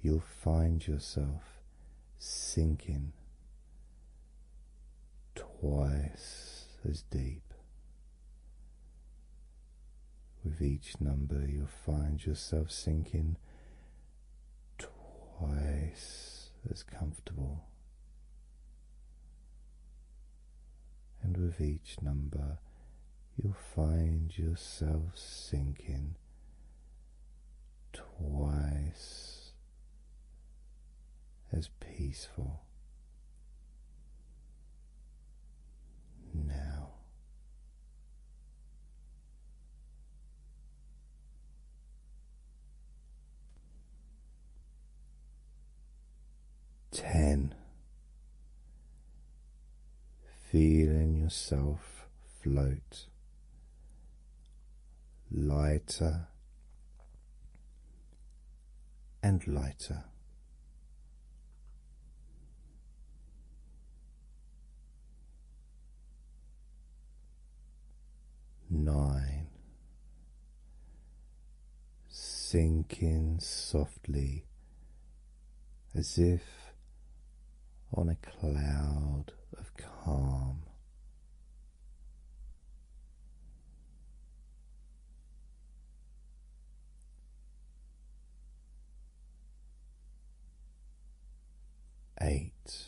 you'll find yourself sinking twice as deep. With each number, you'll find yourself sinking twice as comfortable. And with each number, you'll find yourself sinking twice as peaceful. Now. Ten feeling yourself float lighter and lighter. Nine sinking softly as if on a cloud of calm. Eight.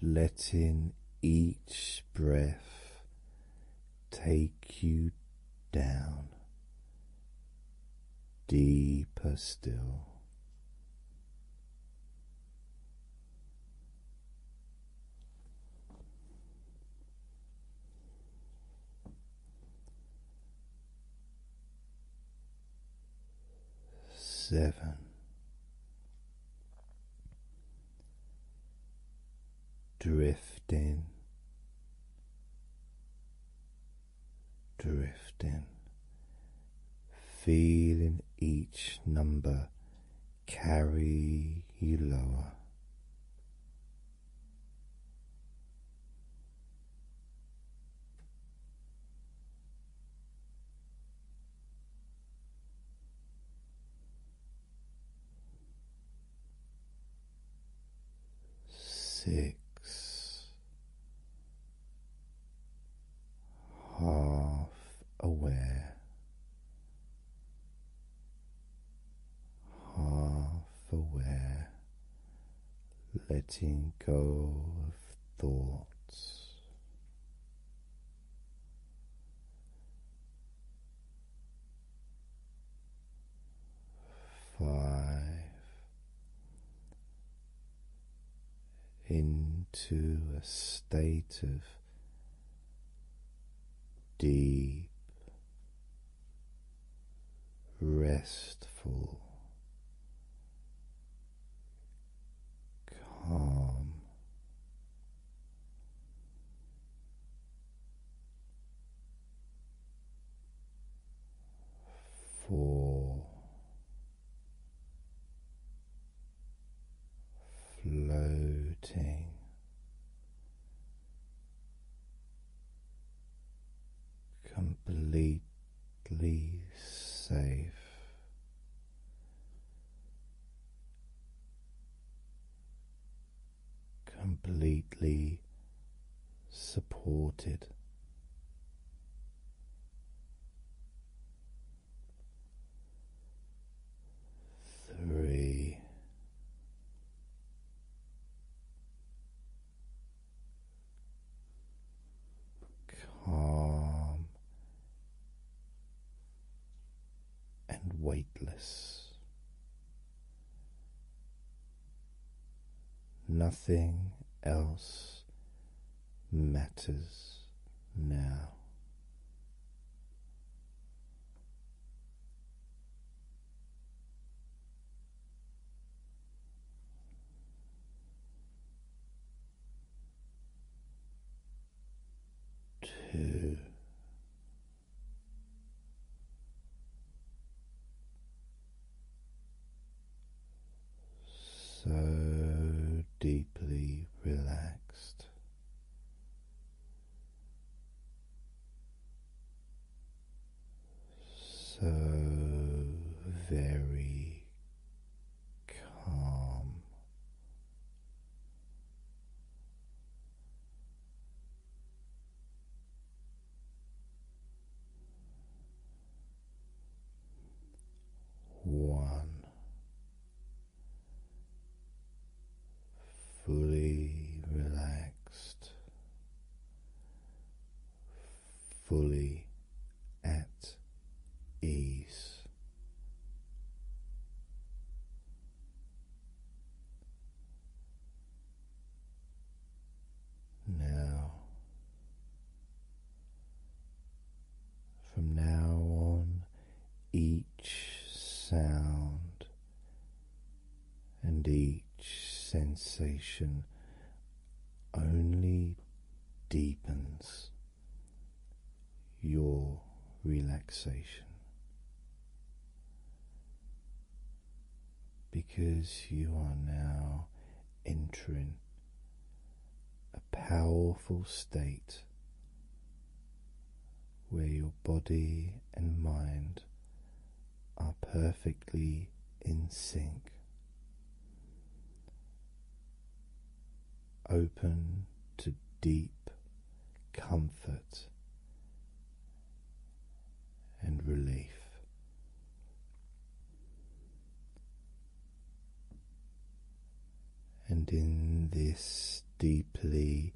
Letting each breath take you down deeper still. Seven, drifting, drifting, feeling each number carry you lower six, half aware, half aware, letting go of thoughts five into a state of deep restful calm four floating completely safe completely supported. Three, calm and weightless. Nothing else matters now. Two so deeply relaxed. So very calm, one fully relaxed, fully at ease. Now, from now on, each sound and each sensation only deepens your relaxation because you are now entering a powerful state where your body and mind are perfectly in sync. Open to deep comfort and relief. And in this deeply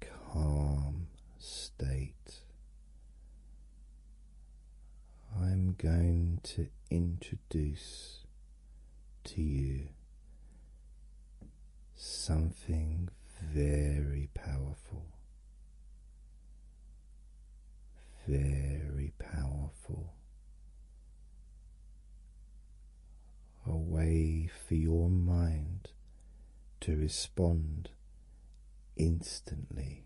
calm state, I'm going to introduce to you something very powerful very powerful. A way for your mind to respond instantly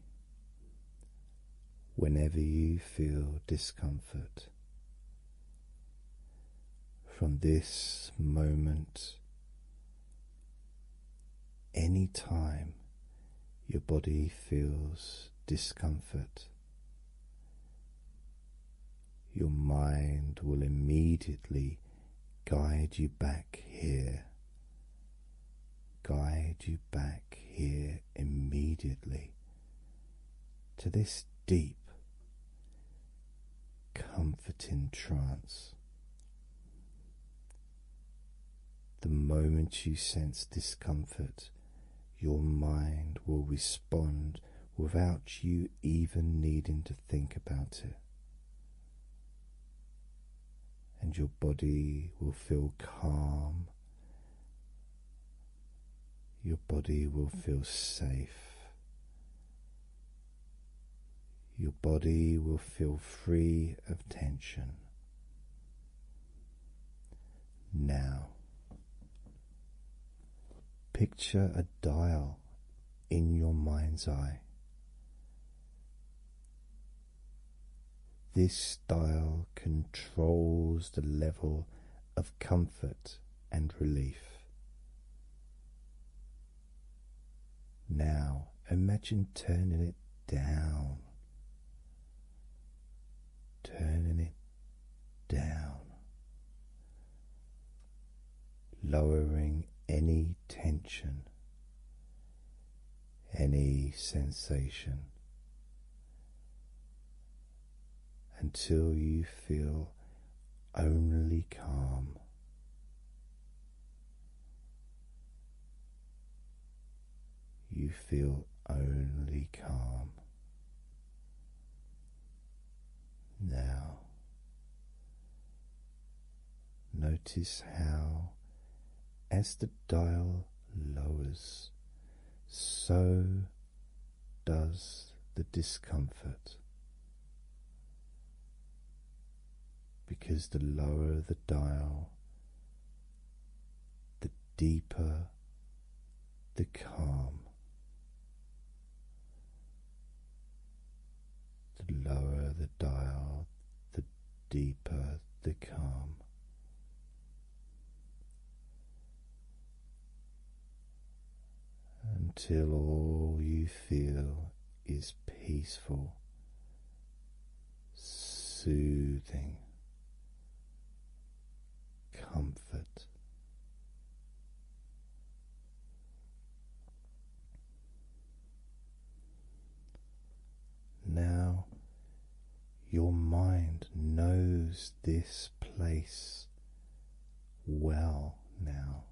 whenever you feel discomfort. From this moment any time your body feels discomfort, your mind will immediately guide you back here, guide you back here immediately to this deep, comforting trance. The moment you sense discomfort, your mind will respond without you even needing to think about it. And your body will feel calm, your body will feel safe. Your body will feel free of tension. Now, picture a dial in your mind's eye. This dial controls the level of comfort and relief. Now imagine turning it down, turning it down, lowering any tension, any sensation until you feel only calm. You feel only calm. Now, notice how, as the dial lowers, so does the discomfort because the lower the dial, the deeper the calm. The lower the dial, the deeper the calm. Until all you feel is peaceful, soothing, comfort. Now your mind knows this place well now,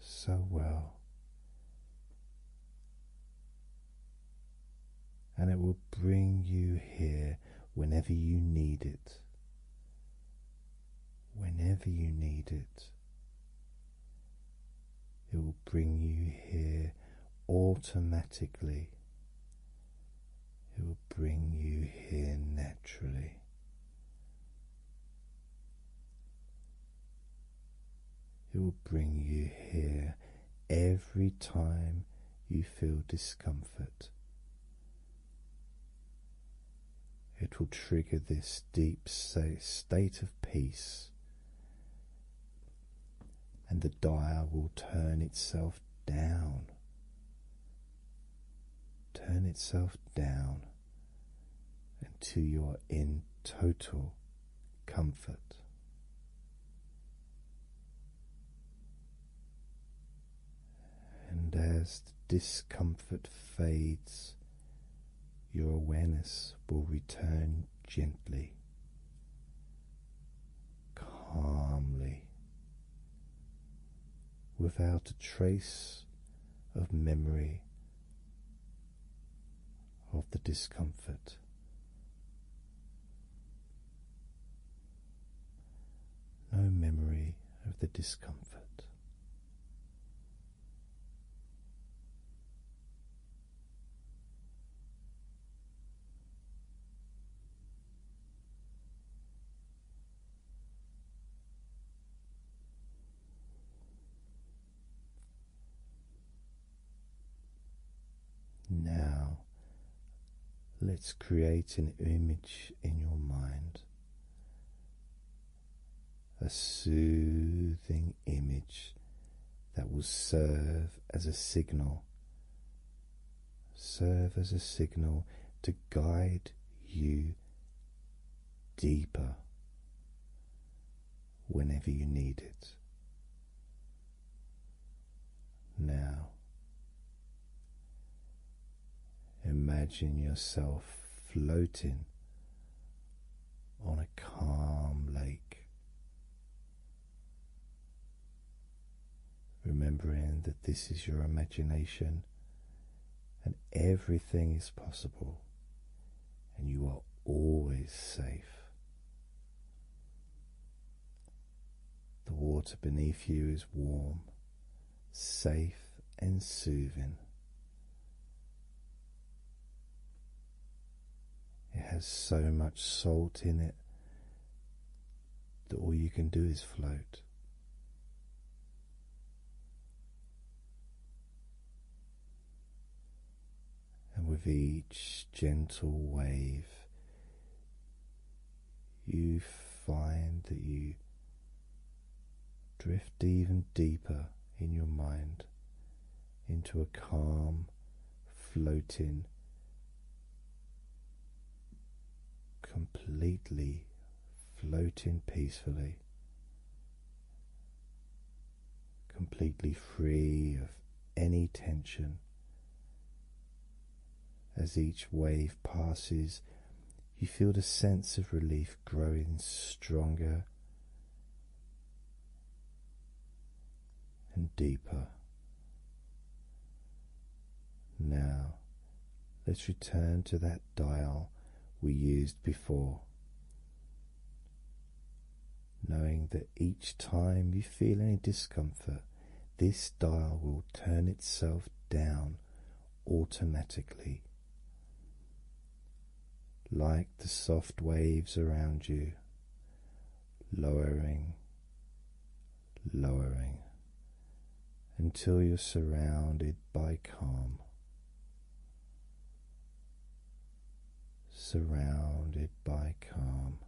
so well and it will bring you here whenever you need it. Whenever you need it, it will bring you here automatically. It will bring you here naturally. It will bring you here every time you feel discomfort. It will trigger this deep state of peace, and the dial will turn itself down. Turn itself down until you are in total comfort. And as the discomfort fades, your awareness will return gently, calmly, without a trace of memory of the discomfort. No memory of the discomfort. Now, let's create an image in your mind, a soothing image that will serve as a signal, serve as a signal to guide you deeper whenever you need it. Now, imagine yourself floating on a calm lake, remembering that this is your imagination and everything is possible, and you are always safe. The water beneath you is warm, safe, and soothing. It has so much salt in it that all you can do is float and with each gentle wave, you find that you drift even deeper in your mind into a calm, floating, completely floating peacefully completely free of any tension. As each wave passes, you feel the sense of relief growing stronger and deeper. Now, let's return to that dial we used before knowing that each time you feel any discomfort, this dial will turn itself down automatically, like the soft waves around you, lowering, lowering until you're surrounded by calm surrounded by calm.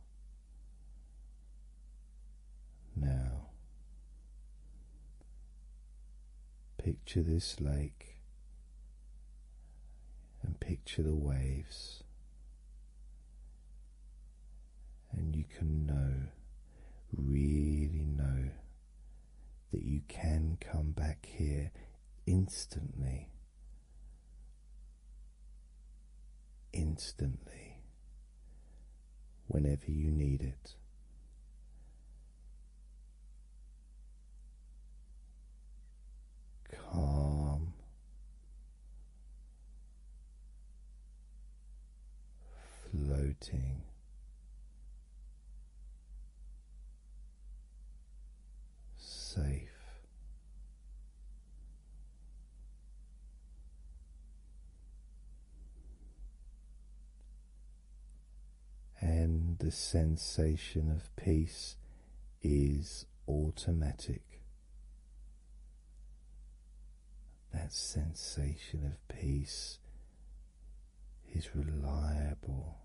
Now, picture this lake and picture the waves, and you can know, really know, that you can come back here instantly instantly whenever you need it. Calm, floating, safe and the sensation of peace is automatic. That sensation of peace is reliable.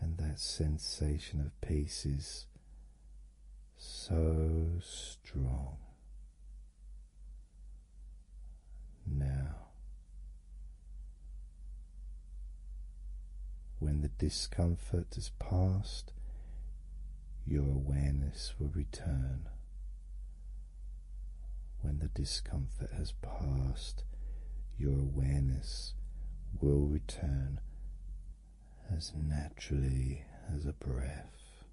And that sensation of peace is so strong. Now, when the discomfort is past, your awareness will return when the discomfort has passed, your awareness will return as naturally as a breath.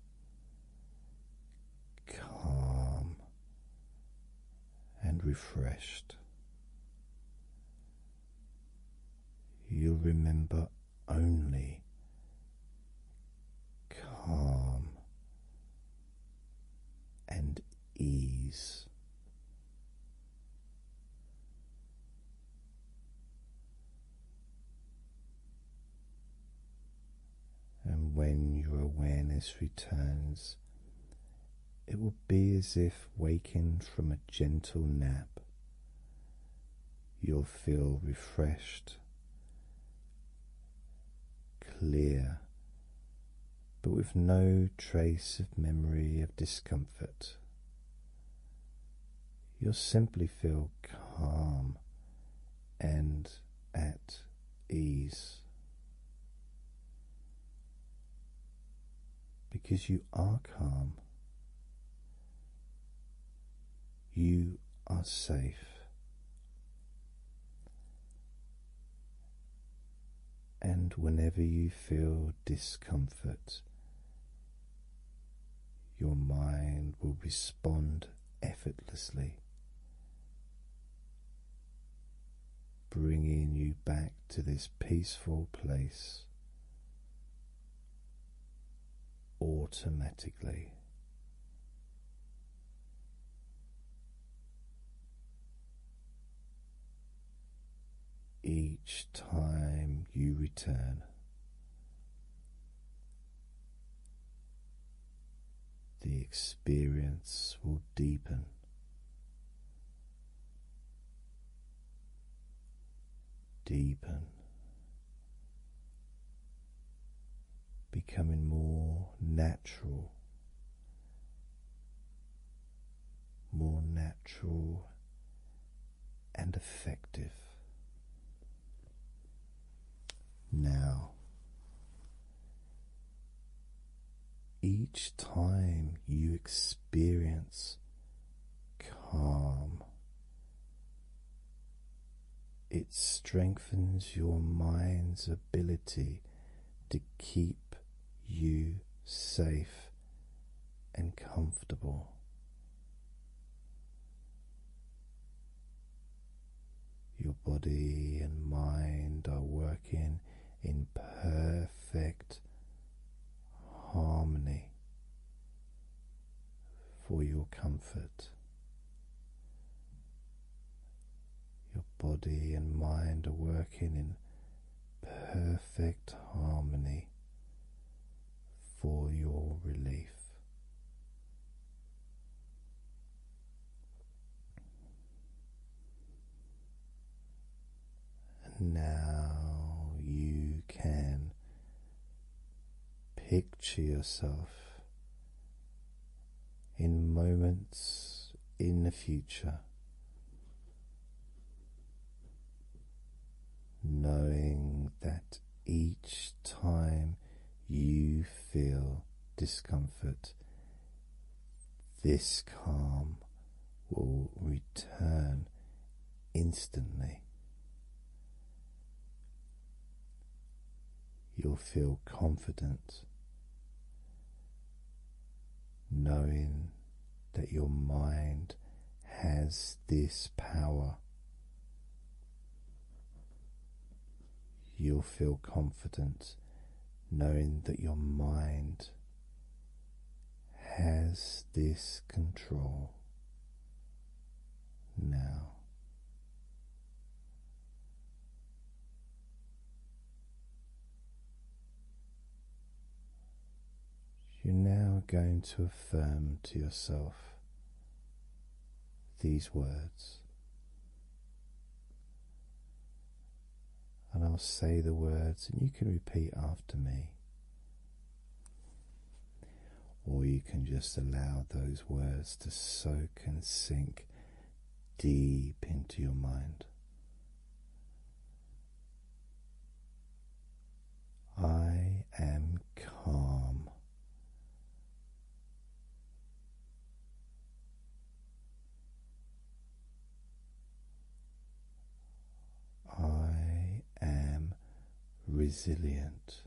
Calm and refreshed. You'll remember only calm and ease. And when your awareness returns, it will be as if waking from a gentle nap. You'll feel refreshed clear, but with no trace of memory of discomfort. You'll simply feel calm and at ease because you are calm, you are safe. And whenever you feel discomfort, your mind will respond effortlessly, bringing you back to this peaceful place automatically each time you return. The experience will deepen. Deepen, becoming more natural more natural and effective. Now, each time you experience calm, it strengthens your mind's ability to keep you safe and comfortable. Your body and mind are working in perfect harmony for your comfort. Your body and mind are working in perfect harmony for your relief. And now you can picture yourself in moments in the future, knowing that each time you feel discomfort, this calm will return instantly. You'll feel confident knowing that your mind has this power. You'll feel confident knowing that your mind has this control now. You're now going to affirm to yourself these words, and I'll say the words, and you can repeat after me, or you can just allow those words to soak and sink deep into your mind. I am calm. I am resilient.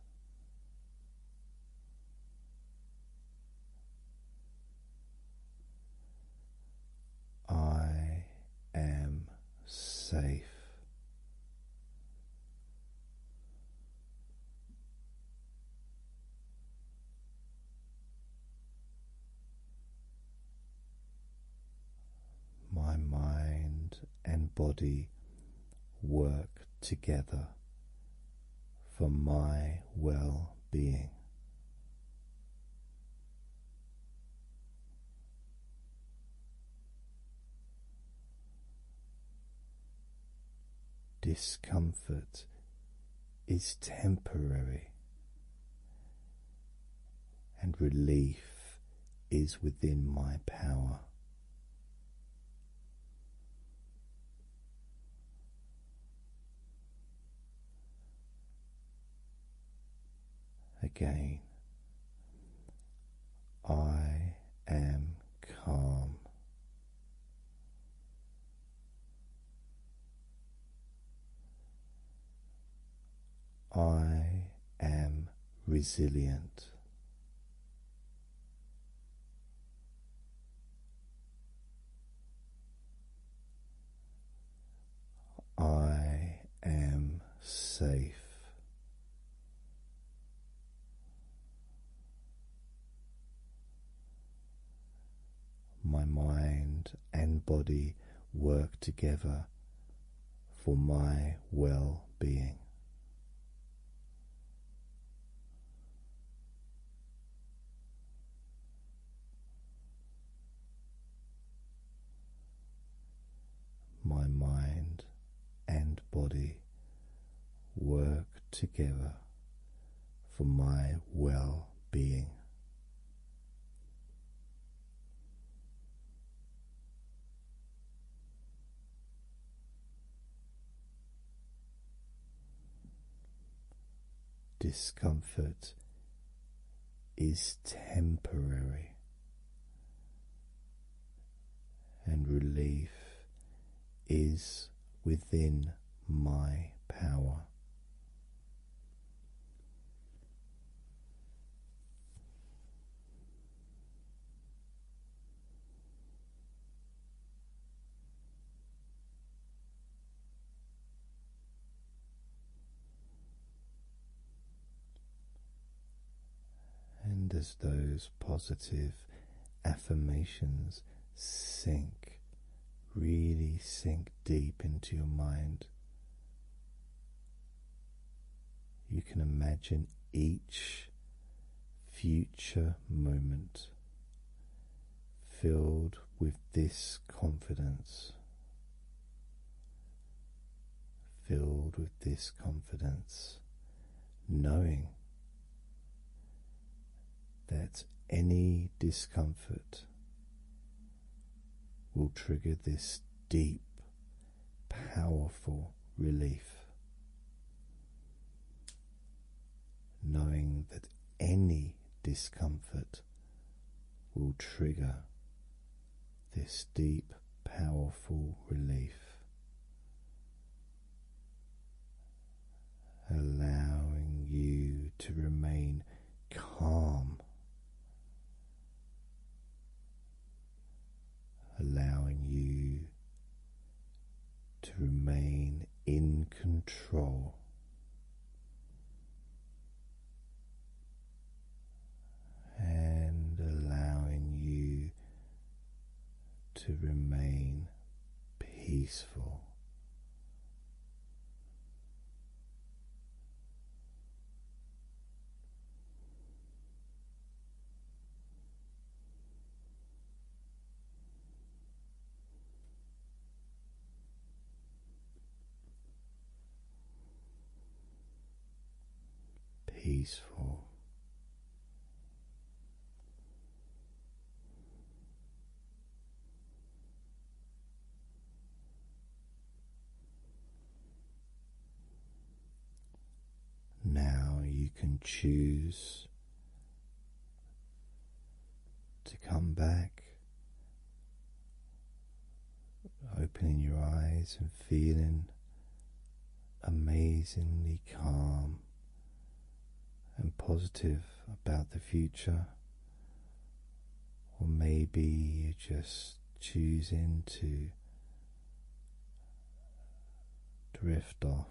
I am safe. My mind and body work together for my well being. Discomfort is temporary, and relief is within my power. Again, I am calm. I am resilient. I am safe. My mind and body work together for my well being. My mind and body work together for my well being. Discomfort is temporary, and relief is within my power. And as those positive affirmations sink, really sink deep into your mind, you can imagine each future moment filled with this confidence filled with this confidence, knowing that any discomfort will trigger this deep, powerful relief. Knowing that any discomfort will trigger this deep, powerful relief, allowing you to remain calm. Allowing you to remain in control and allowing you to remain peaceful peaceful. Now you can choose to come back opening your eyes and feeling amazingly calm and positive about the future. Or maybe you just choosing to drift off.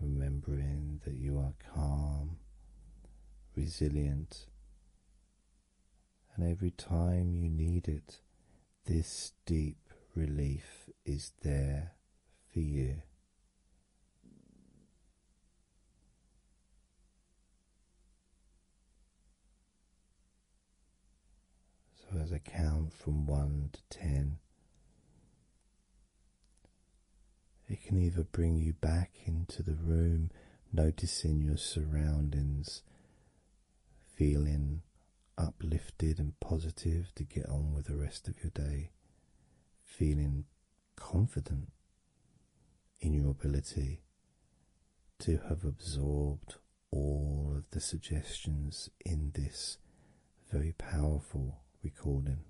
Remembering that you are calm, resilient, and every time you need it, this deep relief is there for you. So, as I count from one to ten, it can either bring you back into the room, noticing your surroundings, feeling uplifted and positive to get on with the rest of your day feeling confident in your ability to have absorbed all of the suggestions in this very powerful recording,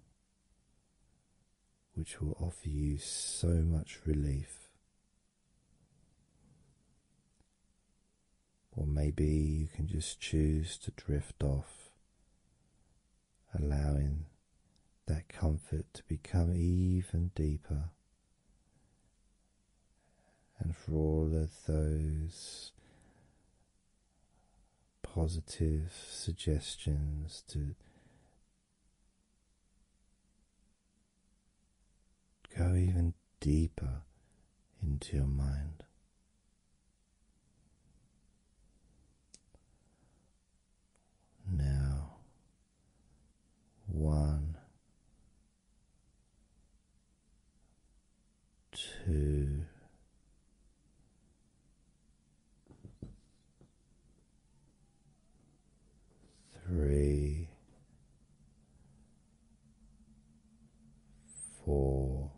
which will offer you so much relief. Or maybe you can just choose to drift off allowing that comfort to become even deeper. And for all of those positive suggestions to go even deeper into your mind. Now, one, two, three, four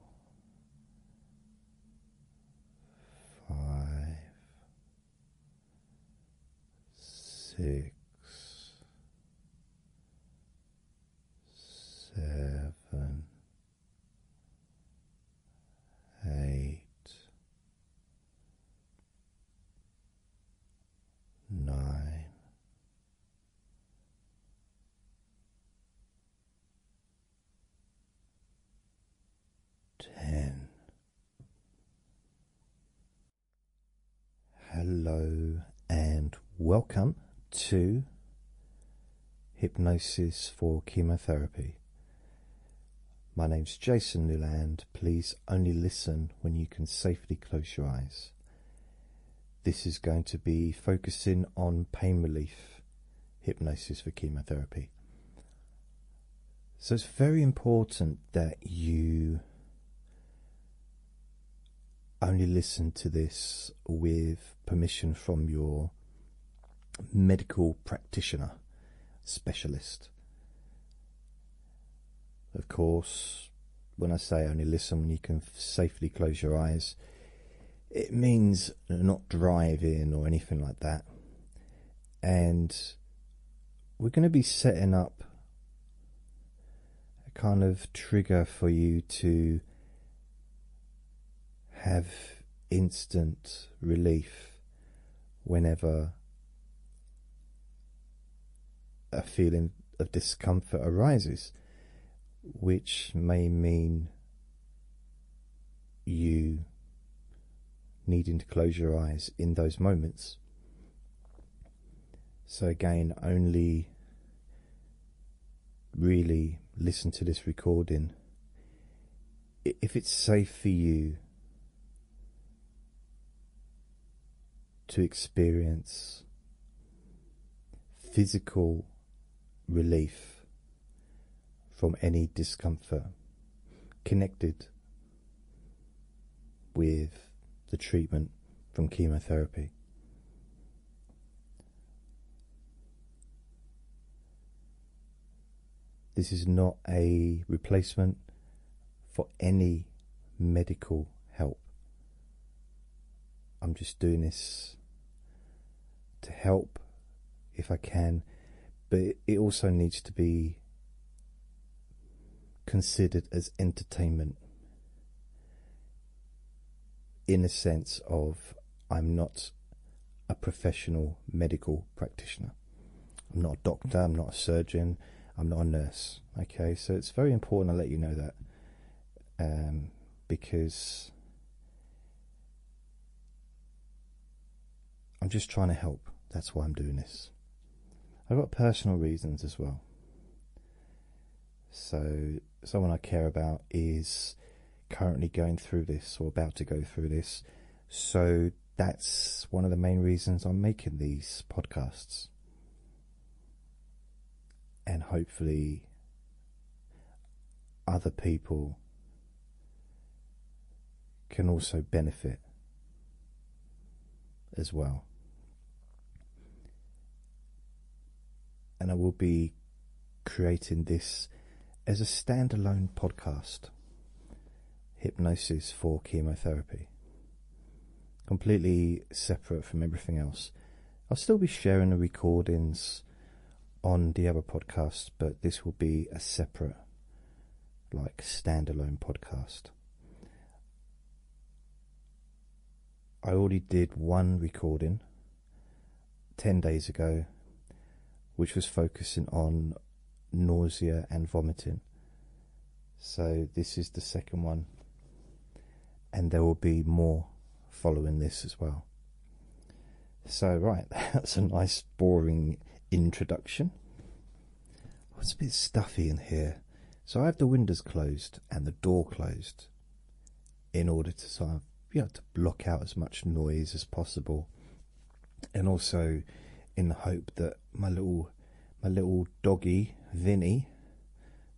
five, six, seven, eight, nine ten. Hello and welcome to Hypnosis for Chemotherapy. My name is Jason Newland. Please only listen when you can safely close your eyes. This is going to be focusing on pain relief hypnosis for chemotherapy. So it's very important that you only listen to this with permission from your medical practitioner specialist. Of course, when I say only listen when you can safely close your eyes, it means not driving or anything like that. And we're going to be setting up a kind of trigger for you to have instant relief whenever a feeling of discomfort arises, which may mean you needing to close your eyes in those moments. So, again, only really listen to this recording if it's safe for you to experience physical relief from any discomfort connected with the treatment from chemotherapy. This is not a replacement for any medical help. I'm just doing this to help if I can, but it also needs to be considered as entertainment in a sense of I'm not a professional medical practitioner. I'm not a doctor, I'm not a surgeon, I'm not a nurse. Okay, so it's very important I let you know that um, because I'm just trying to help. That's why I'm doing this. I've got personal reasons as well. So, someone I care about is currently going through this or about to go through this. So, that's one of the main reasons I'm making these podcasts. And hopefully, other people can also benefit as well. And I will be creating this as a standalone podcast Hypnosis for Chemotherapy. Completely separate from everything else. I'll still be sharing the recordings on the other podcasts, but this will be a separate, like, standalone podcast. I already did one recording 10 days ago, which was focusing on nausea and vomiting. So, this is the second one, and there will be more following this as well. So, right, that's a nice, boring introduction. it's a bit stuffy in here. So, I have the windows closed and the door closed in order to sort of, you know, to block out as much noise as possible. And also in the hope that my little my little doggy, Vinny,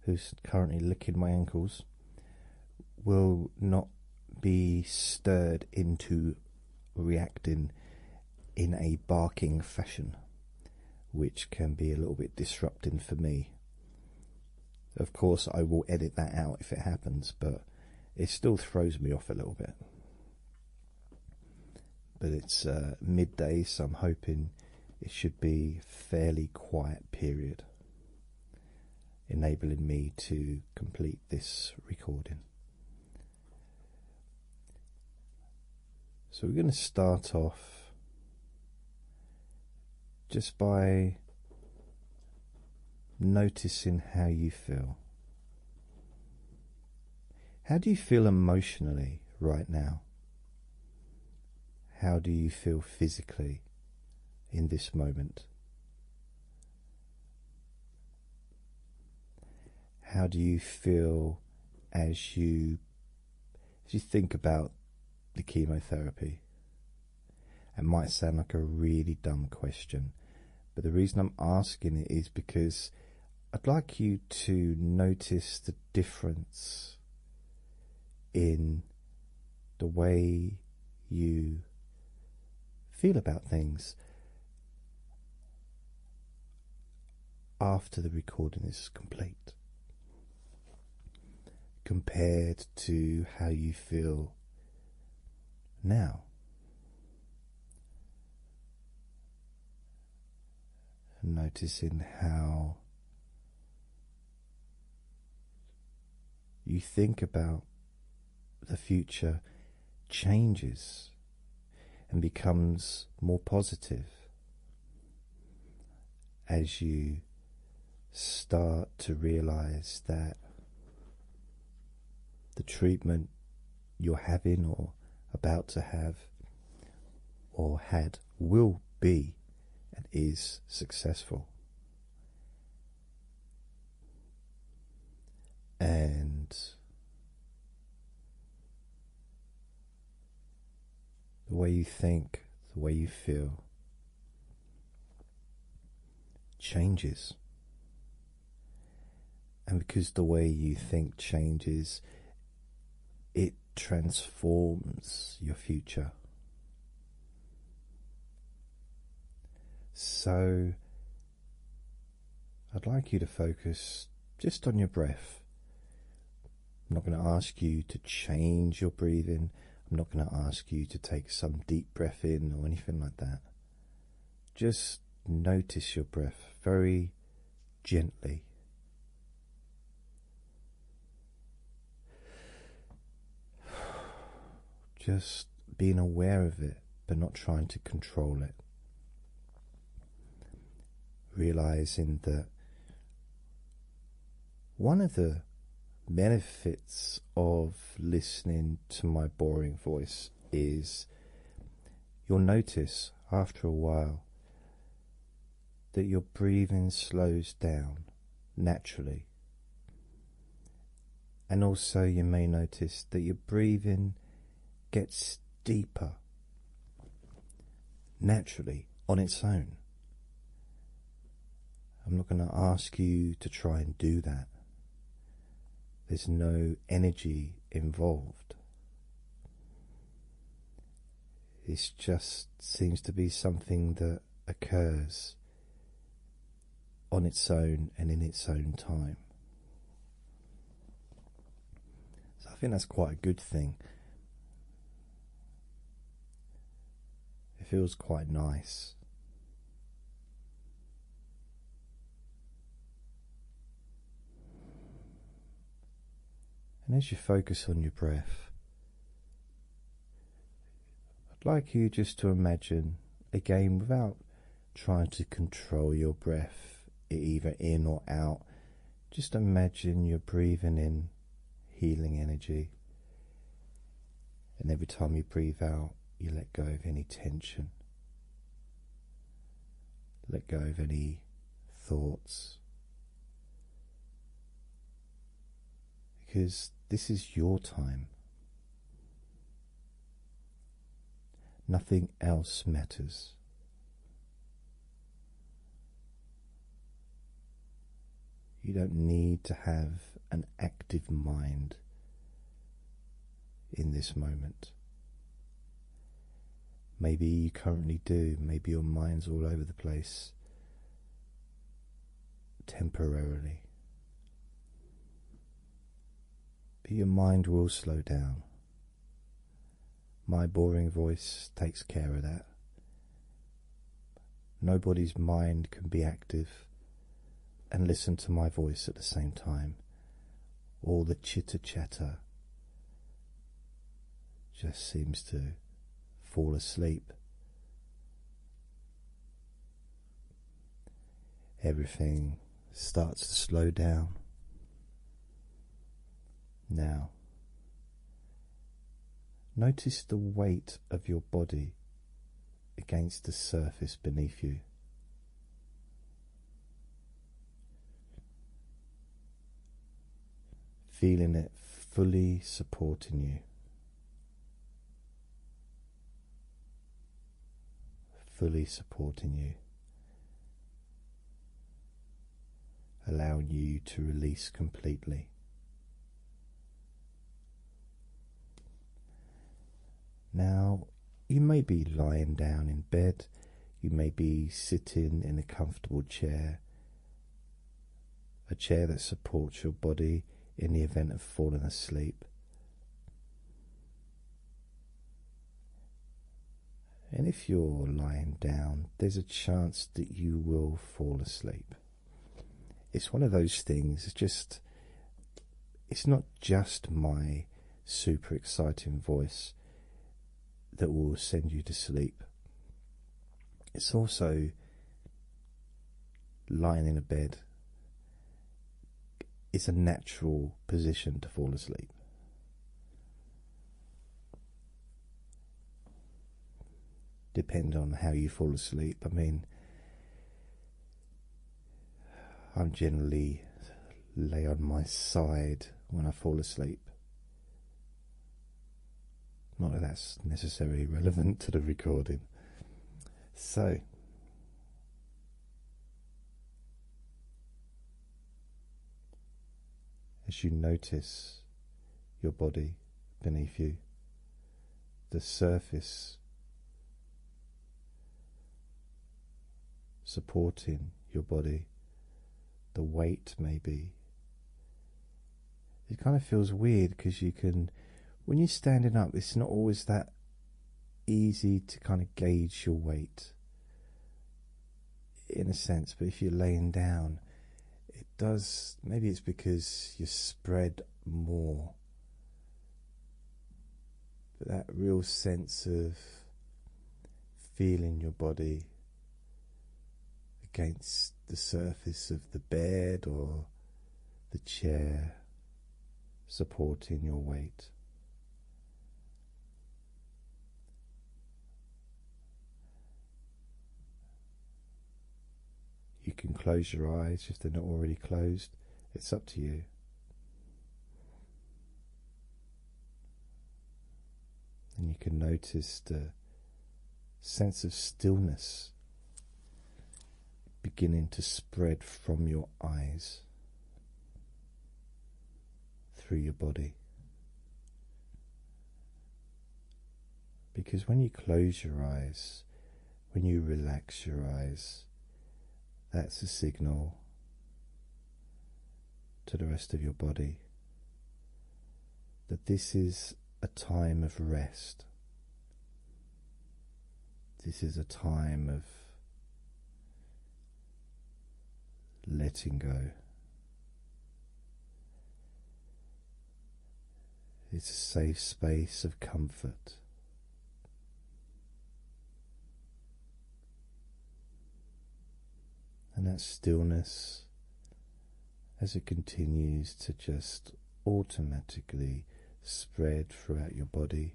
who's currently licking my ankles, will not be stirred into reacting in a barking fashion, which can be a little bit disrupting for me. Of course, I will edit that out if it happens, but it still throws me off a little bit. But it's uh, midday, so I'm hoping it should be fairly quiet period, enabling me to complete this recording. So we're going to start off just by noticing how you feel. How do you feel emotionally right now? How do you feel physically in this moment? How do you feel as you as you think about the chemotherapy? It might sound like a really dumb question, but the reason I'm asking it is because I'd like you to notice the difference in the way you feel about things after the recording is complete compared to how you feel now. Noticing how you think about the future changes and becomes more positive as you start to realize that the treatment you're having or about to have or had will be and is successful and the way you think, the way you feel changes. And because the way you think changes, it transforms your future. So I'd like you to focus just on your breath. I'm not going to ask you to change your breathing. I'm not going to ask you to take some deep breath in or anything like that. Just notice your breath very gently. Just being aware of it but not trying to control it. Realizing that one of the benefits of listening to my boring voice is you'll notice after a while that your breathing slows down naturally. And also, you may notice that your breathing gets deeper naturally on its own. I'm not going to ask you to try and do that. There's no energy involved. It just seems to be something that occurs on its own and in its own time. So I think that's quite a good thing. It feels quite nice. And as you focus on your breath, I'd like you just to imagine a game without trying to control your breath, either in or out. Just imagine you're breathing in healing energy, and every time you breathe out, you let go of any tension, let go of any thoughts. Because this is your time. Nothing else matters. You don't need to have an active mind in this moment. Maybe you currently do, maybe your mind's all over the place temporarily. But your mind will slow down. My boring voice takes care of that. Nobody's mind can be active and listen to my voice at the same time. All the chitter chatter just seems to fall asleep. Everything starts to slow down. Now, notice the weight of your body against the surface beneath you. Feeling it fully supporting you fully supporting you, allowing you to release completely. Now, you may be lying down in bed, you may be sitting in a comfortable chair, a chair that supports your body in the event of falling asleep. And if you're lying down, there's a chance that you will fall asleep. It's one of those things, it's just, it's not just my super exciting voice that will send you to sleep. It's also lying in a bed it's a natural position to fall asleep. Depend on how you fall asleep. I mean, I'm generally lay on my side when I fall asleep. Not that that's necessarily relevant to the recording. So, as you notice your body beneath you, the surface supporting your body, the weight may be. It kind of feels weird because you can, when you're standing up, it's not always that easy to kind of gauge your weight in a sense, but if you're laying down, it does. Maybe it's because you're spread more. But that real sense of feeling your body against the surface of the bed or the chair supporting your weight. You can close your eyes if they're not already closed, it's up to you. And you can notice a sense of stillness beginning to spread from your eyes through your body. Because when you close your eyes, when you relax your eyes, that's a signal to the rest of your body that this is a time of rest. This is a time of letting go. It's a safe space of comfort. And that stillness, as it continues to just automatically spread throughout your body,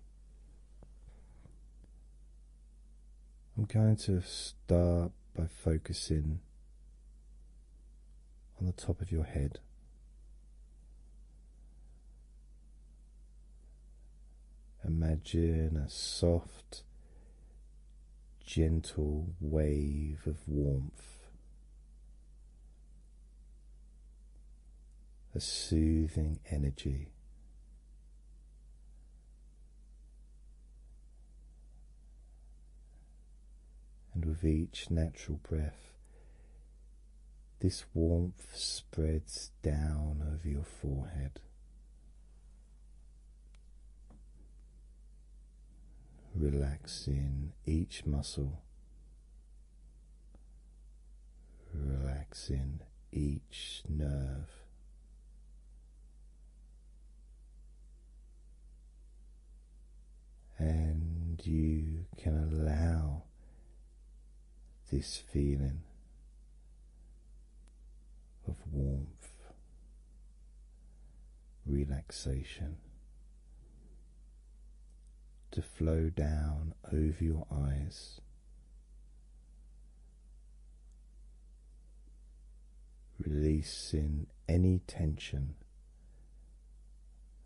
I'm going to start by focusing on the top of your head. Imagine a soft, gentle wave of warmth, a soothing energy and with each natural breath, this warmth spreads down over your forehead. Relaxing each muscle, relaxing each nerve, and you can allow this feeling of warmth, relaxation to flow down over your eyes Releasing any tension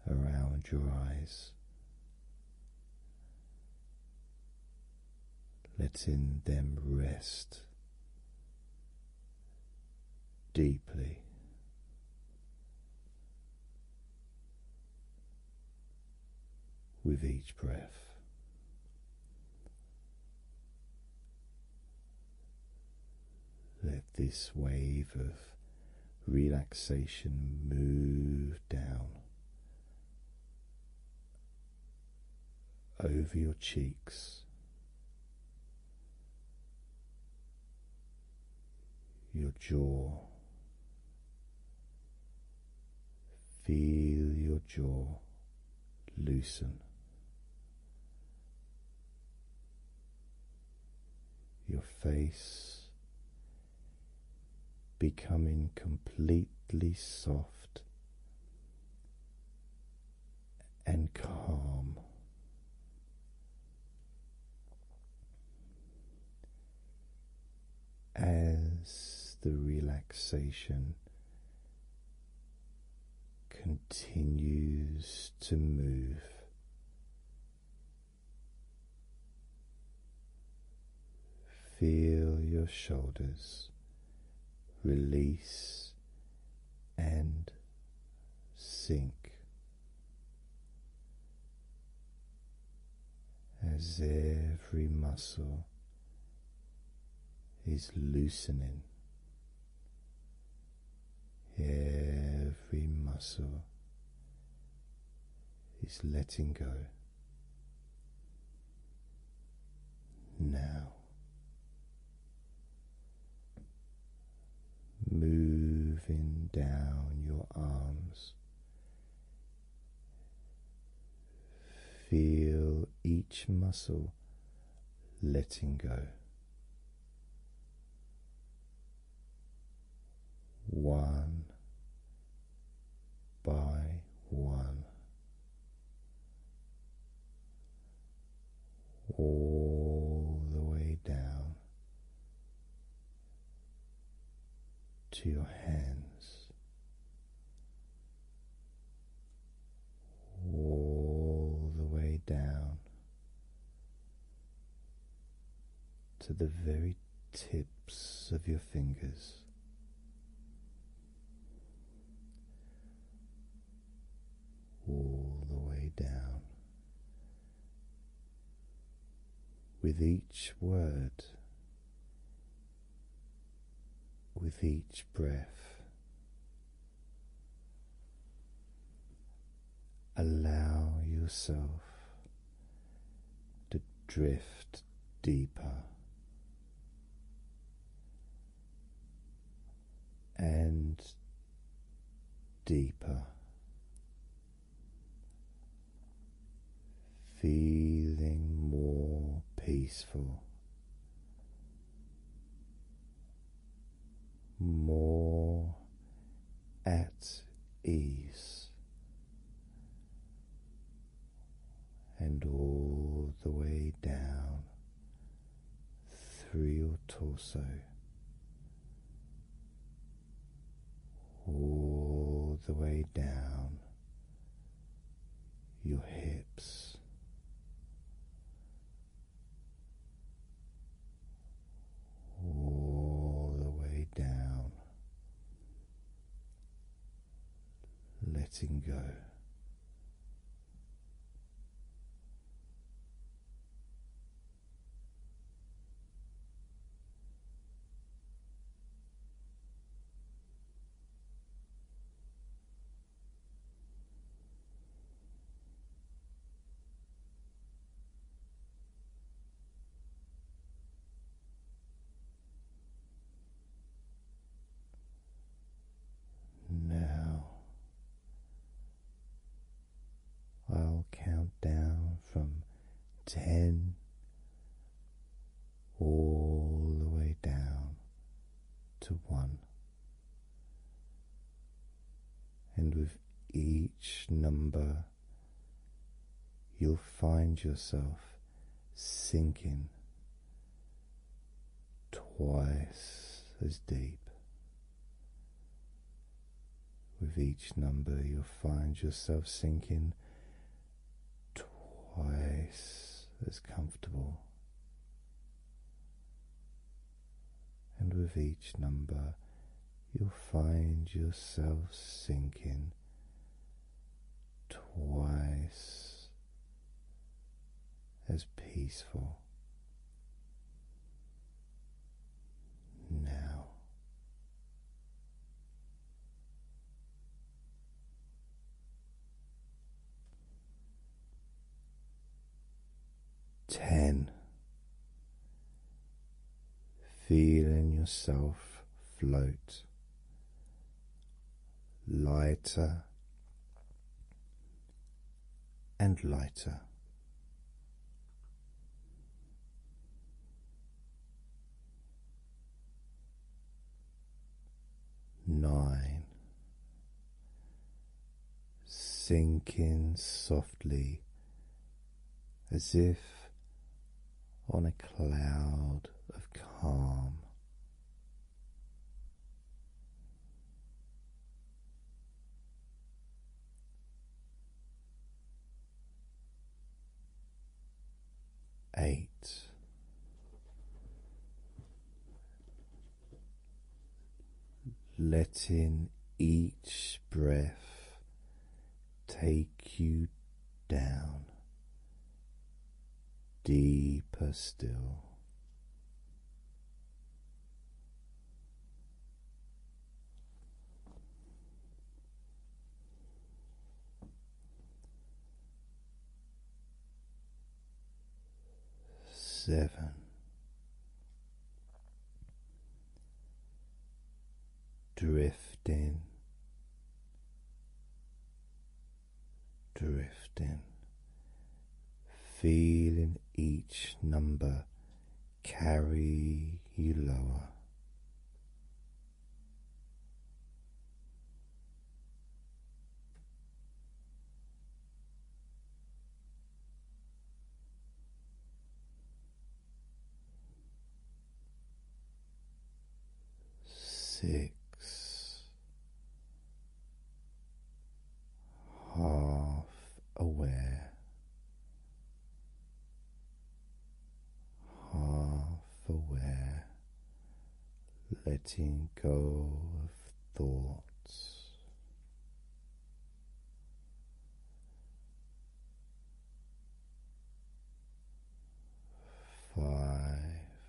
around your eyes, letting them rest deeply. With each breath, let this wave of relaxation move down over your cheeks, your jaw. Feel your jaw loosen. Your face becoming completely soft and calm. As the relaxation continues to move. Feel your shoulders release and sink as every muscle is loosening. Every muscle is letting go. Now moving down your arms, feel each muscle letting go. One by one, all the way down to your hands all the way down to the very tips of your fingers. All the way down. With each word, with each breath, Allow yourself to drift deeper and deeper, feeling more peaceful more at ease and all the way down through your torso. All the way down your hips, all the way down, letting go. Now I'll count down from ten all the way down to one. And with each number, you'll find yourself sinking twice as deep. With each number, you'll find yourself sinking twice as comfortable. And with each number, you'll find yourself sinking twice as peaceful. Now ten, feeling yourself float lighter and lighter. Nine, sinking softly as if on a cloud of calm. Eight letting each breath take you down deeper still seven, drifting, drifting, feeling each number carry you lower six, half aware, half aware, letting go of thoughts. Five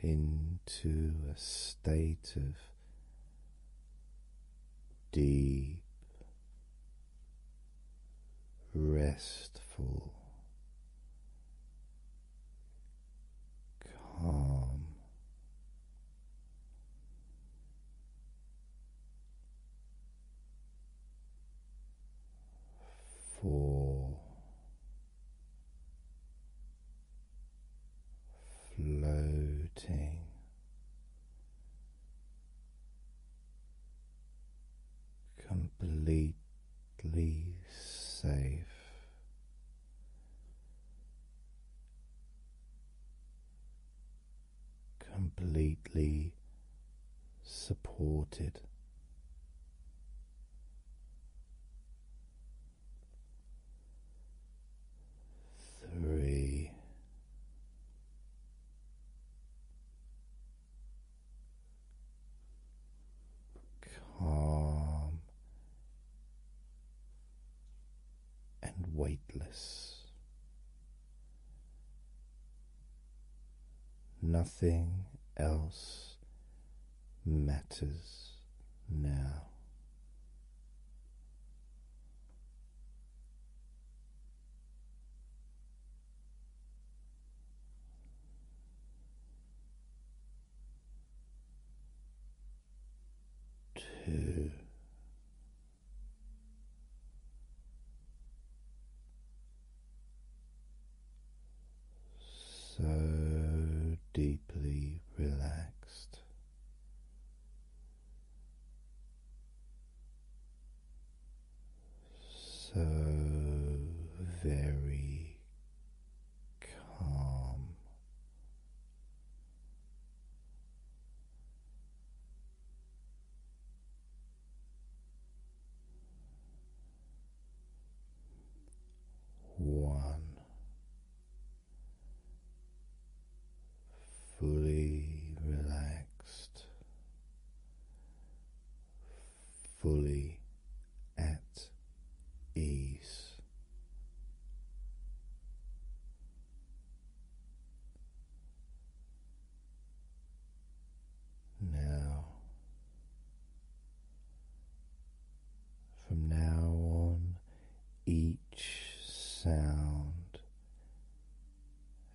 into a state of deep, restful calm. Four floating completely safe completely supported. Three, calm and weightless. Nothing else matters now two, so deeply relaxed. So very calm. One fully relaxed, fully at ease. Now, from now on, each sound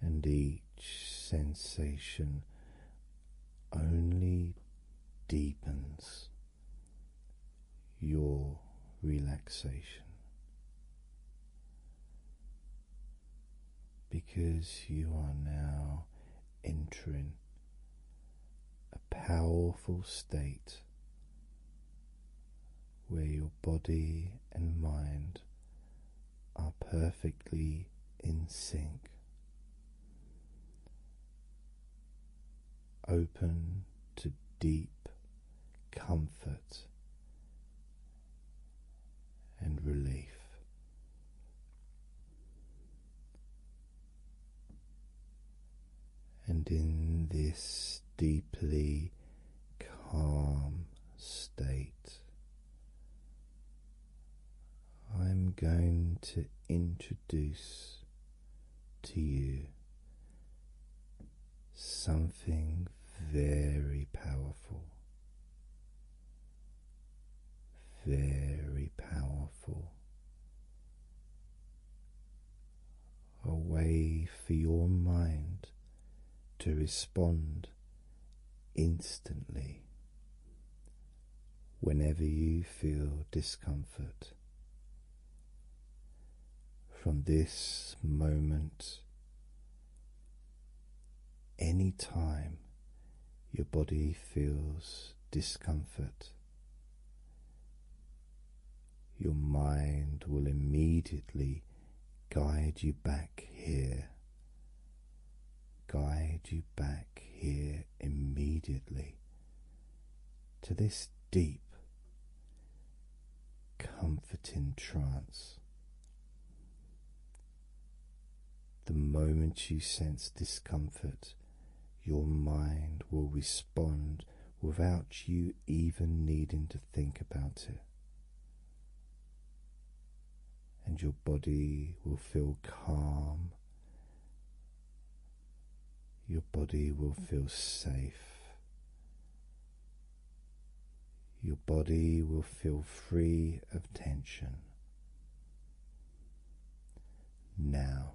and each sensation only deepens your relaxation because you are now entering a powerful state where your body and mind are perfectly in sync open to deep comfort and relief. And in this deeply calm state, I'm going to introduce to you something very powerful, very powerful. A way for your mind to respond instantly whenever you feel discomfort from this moment. Any time your body feels discomfort, your mind will immediately guide you back here, guide you back here immediately to this deep, comforting trance. The moment you sense discomfort, your mind will respond without you even needing to think about it. And your body will feel calm your body will feel safe. Your body will feel free of tension. Now,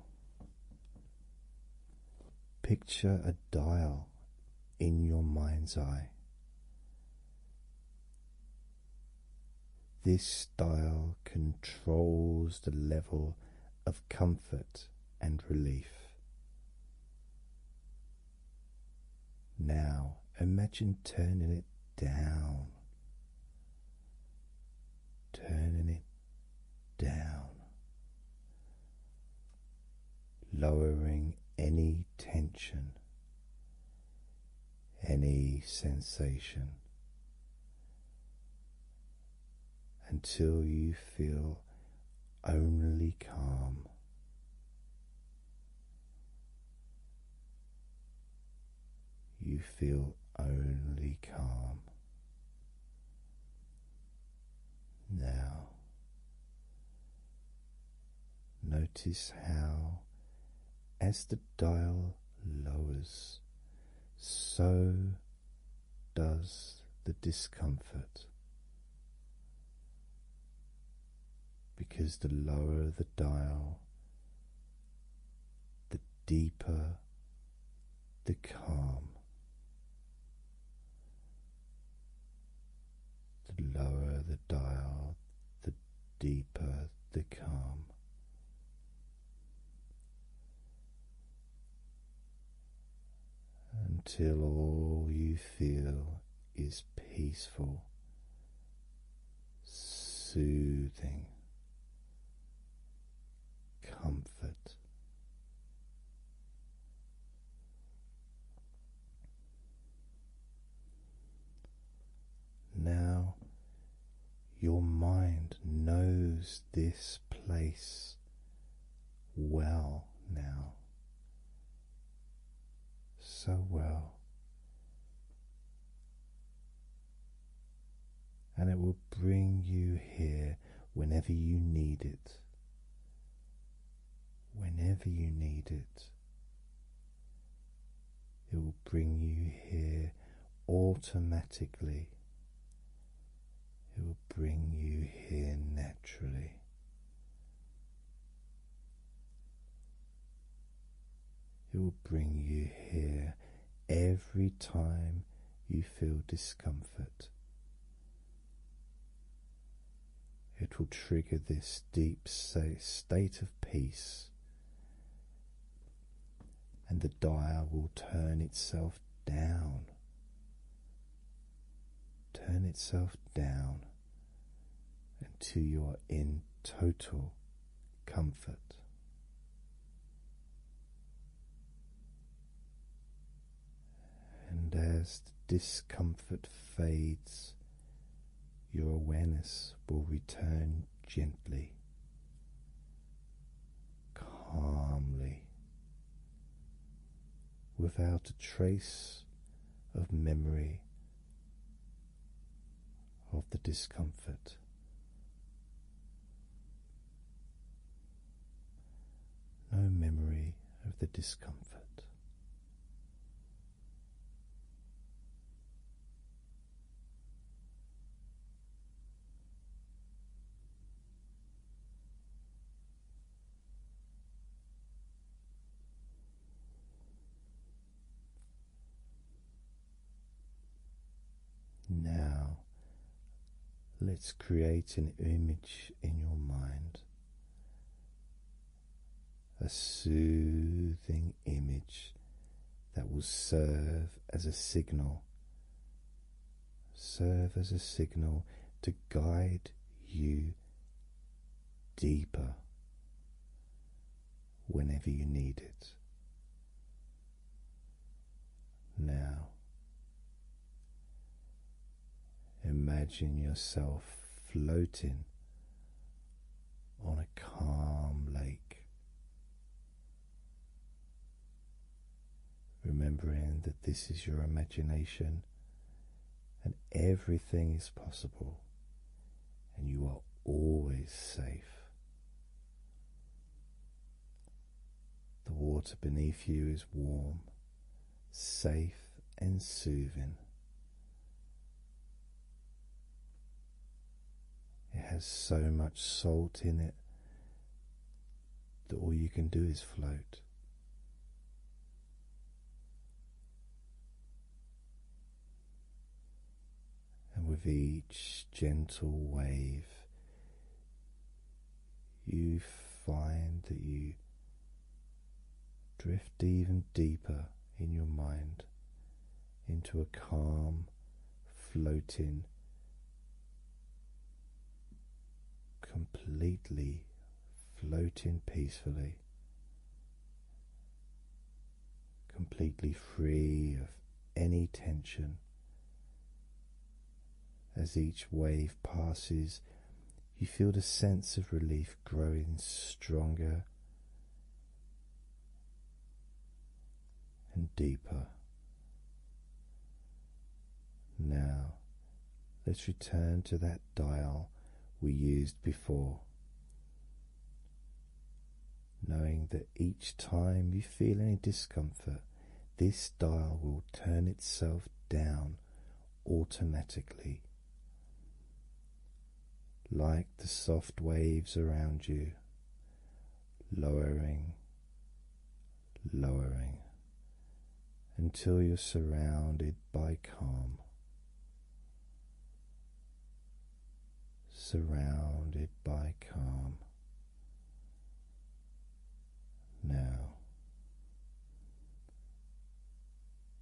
picture a dial in your mind's eye. This dial controls the level of comfort and relief. Now imagine turning it down, turning it down, lowering any tension, any sensation, until you feel only calm. You feel only calm. Now, notice how, as the dial lowers, so does the discomfort. Because the lower the dial, the deeper the calm, the lower the dial, the deeper the calm until all you feel is peaceful, soothing comfort. Now your mind knows this place well now. So well. And it will bring you here whenever you need it. Whenever you need it, it will bring you here automatically it will bring you here naturally. It will bring you here every time you feel discomfort. It will trigger this deep state of peace, and the dial will turn itself down turn itself down until you are in total comfort. And as the discomfort fades, your awareness will return gently, calmly, without a trace of memory of the discomfort. No memory of the discomfort. Now, let's create an image in your mind, a soothing image that will serve as a signal serve as a signal to guide you deeper whenever you need it. Now, imagine yourself floating on a calm lake. Remembering that this is your imagination and everything is possible, and you are always safe. The water beneath you is warm, safe, and soothing. It has so much salt in it that all you can do is float. And with each gentle wave, you find that you drift even deeper in your mind into a calm, floating, completely floating peacefully, completely free of any tension. As each wave passes, you feel the sense of relief growing stronger and deeper. Now Let's return to that dial we used before. Knowing that each time you feel any discomfort, this dial will turn itself down automatically, like the soft waves around you, lowering lowering until you're surrounded by calm. Surrounded by calm. Now,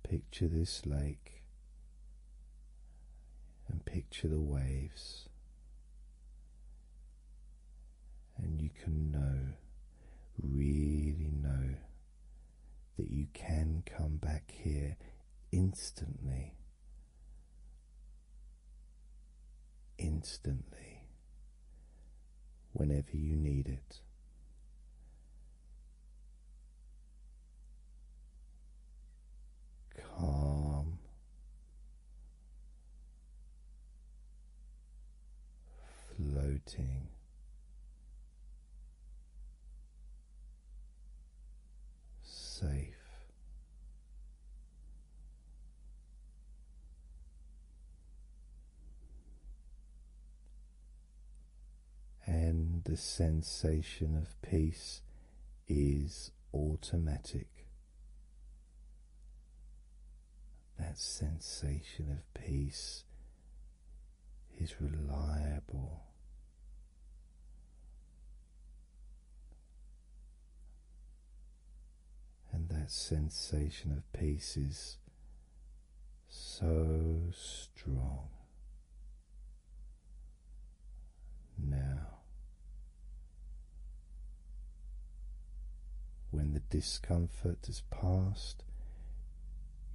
picture this lake and picture the waves, and you can know, really know that you can come back here instantly. Instantly, whenever you need it, calm, floating, safe. And the sensation of peace is automatic that sensation of peace is reliable. And that sensation of peace is so strong now. When the discomfort is past,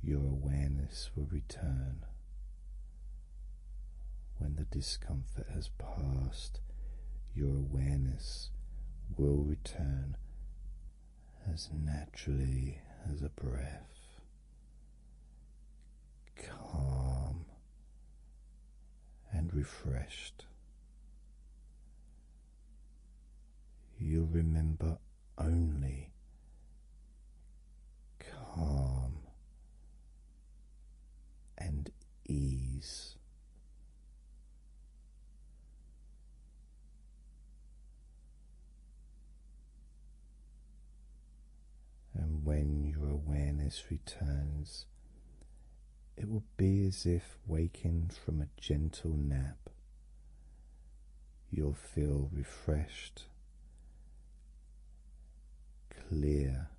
your awareness will return when the discomfort has passed. Your awareness will return as naturally as a breath, calm and refreshed. You'll remember only calm and ease. And when your awareness returns, it will be as if waking from a gentle nap, you'll feel refreshed, clear,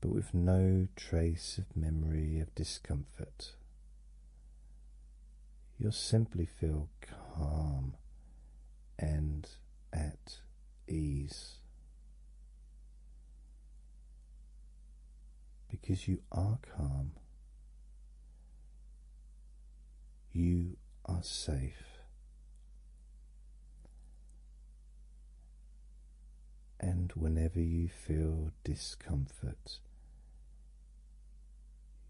but with no trace of memory of discomfort. You'll simply feel calm and at ease. Because you are calm, you are safe. And whenever you feel discomfort,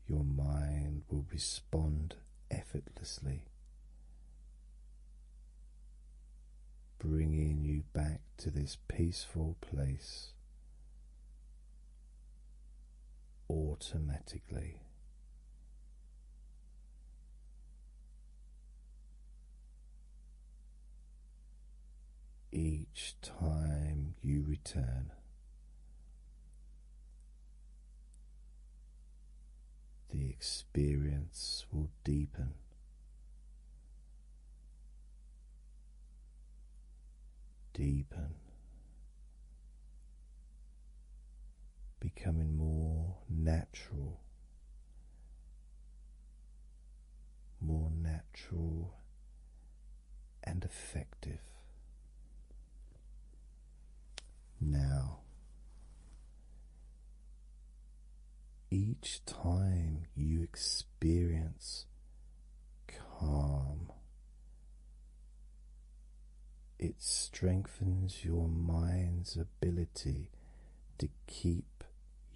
your mind will respond effortlessly, bringing you back to this peaceful place automatically. Each time you return, the experience will deepen deepen, becoming more natural, more natural and effective. Now, each time you experience calm it strengthens your mind's ability to keep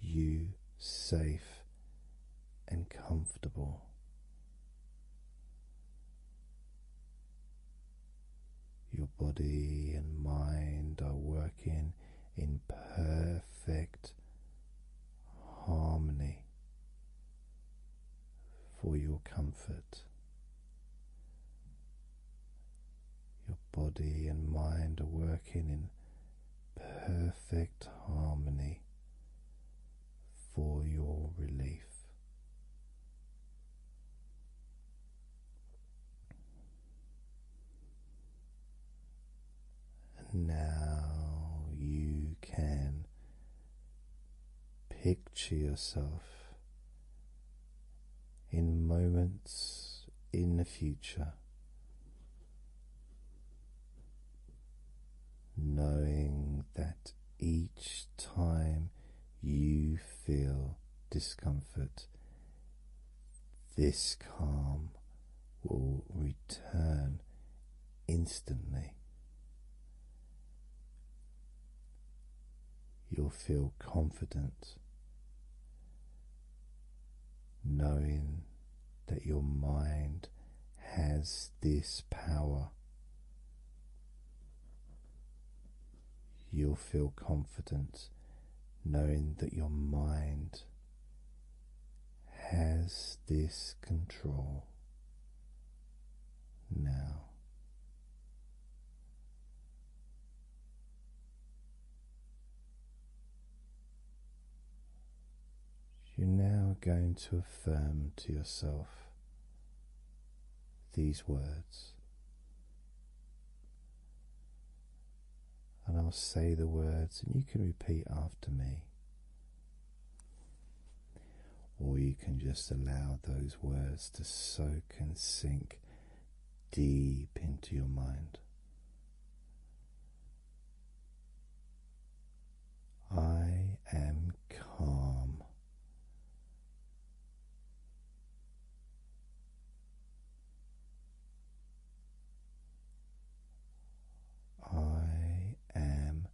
you safe and comfortable. Your body and mind are working in perfect harmony for your comfort. Your body and mind are working in perfect harmony for your relief. And now you can Picture yourself in moments in the future, knowing that each time you feel discomfort, this calm will return instantly. You'll feel confident knowing that your mind has this power. You'll feel confident knowing that your mind has this control now. You're now going to affirm to yourself these words. And I'll say the words, and you can repeat after me or you can just allow those words to soak and sink deep into your mind. I am calm. I am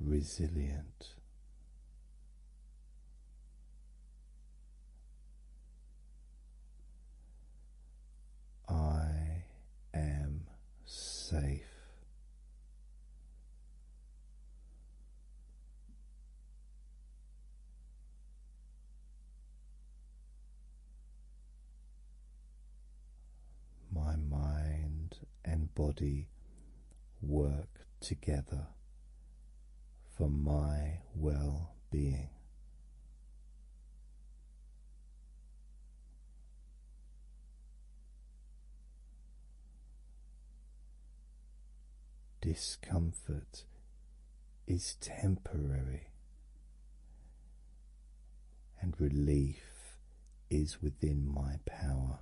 resilient. I am safe. My mind and body work together for my well being. Discomfort is temporary, and relief is within my power.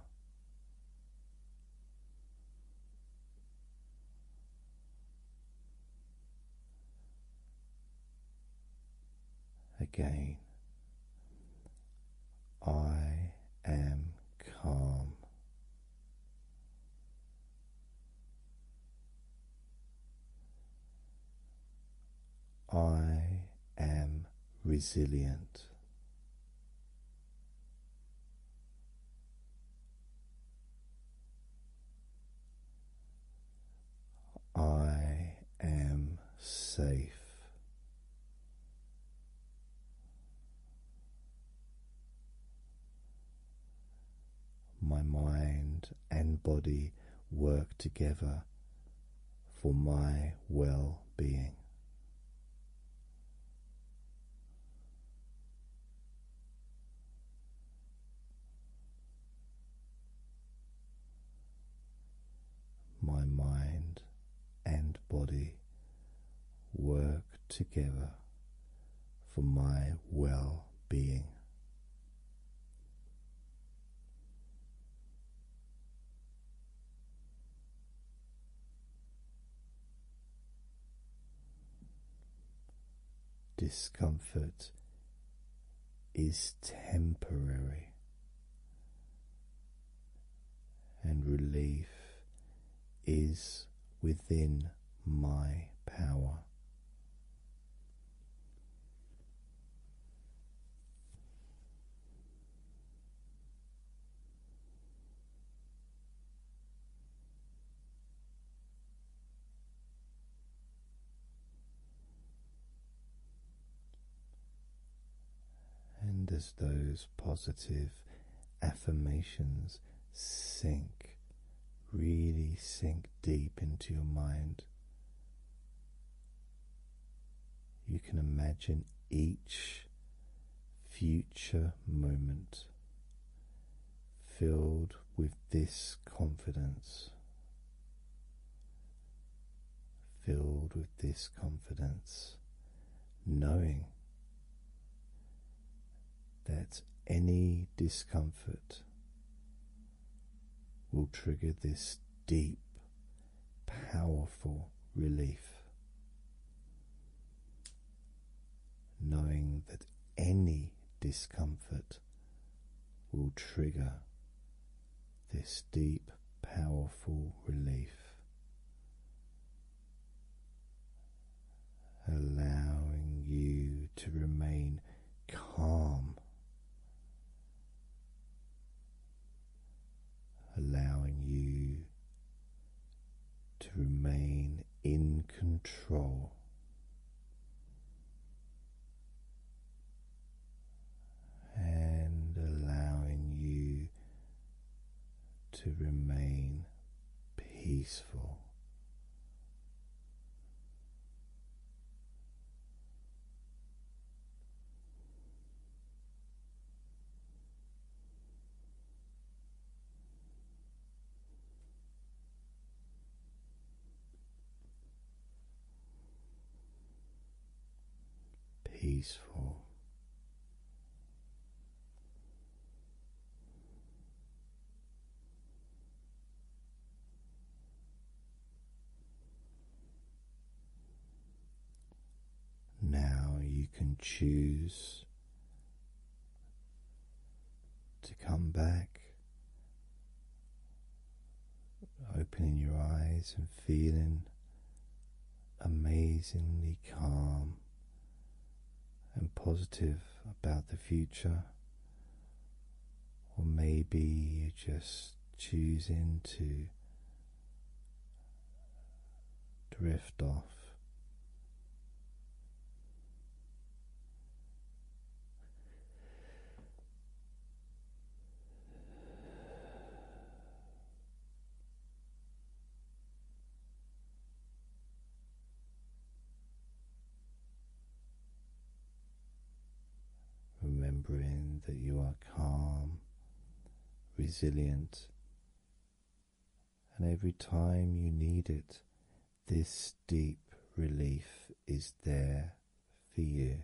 Again, I am calm. I am resilient. I am safe. My mind and body work together for my well being. My mind and body work together for my well being. Discomfort is temporary, and relief is within my power. And as those positive affirmations sink, really sink deep into your mind, you can imagine each future moment filled with this confidence. Filled with this confidence, knowing that any discomfort will trigger this deep, powerful relief knowing that any discomfort will trigger this deep, powerful relief. Allowing you to remain calm allowing you to remain in control. And allowing you to remain peaceful peaceful. Now you can choose to come back, opening your eyes and feeling amazingly calm and positive about the future. Or maybe you're just choosing to drift off. Remembering that you are calm, resilient, and every time you need it, this deep relief is there for you.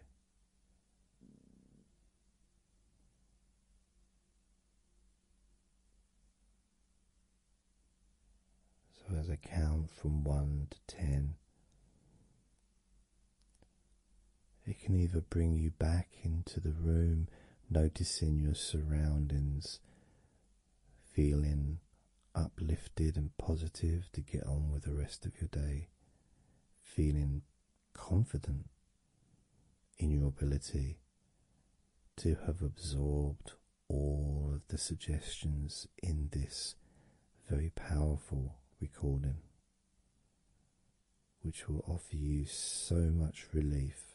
So, as I count from one to ten, it can either bring you back into the room, noticing your surroundings, feeling uplifted and positive to get on with the rest of your day, feeling confident in your ability to have absorbed all of the suggestions in this very powerful recording, which will offer you so much relief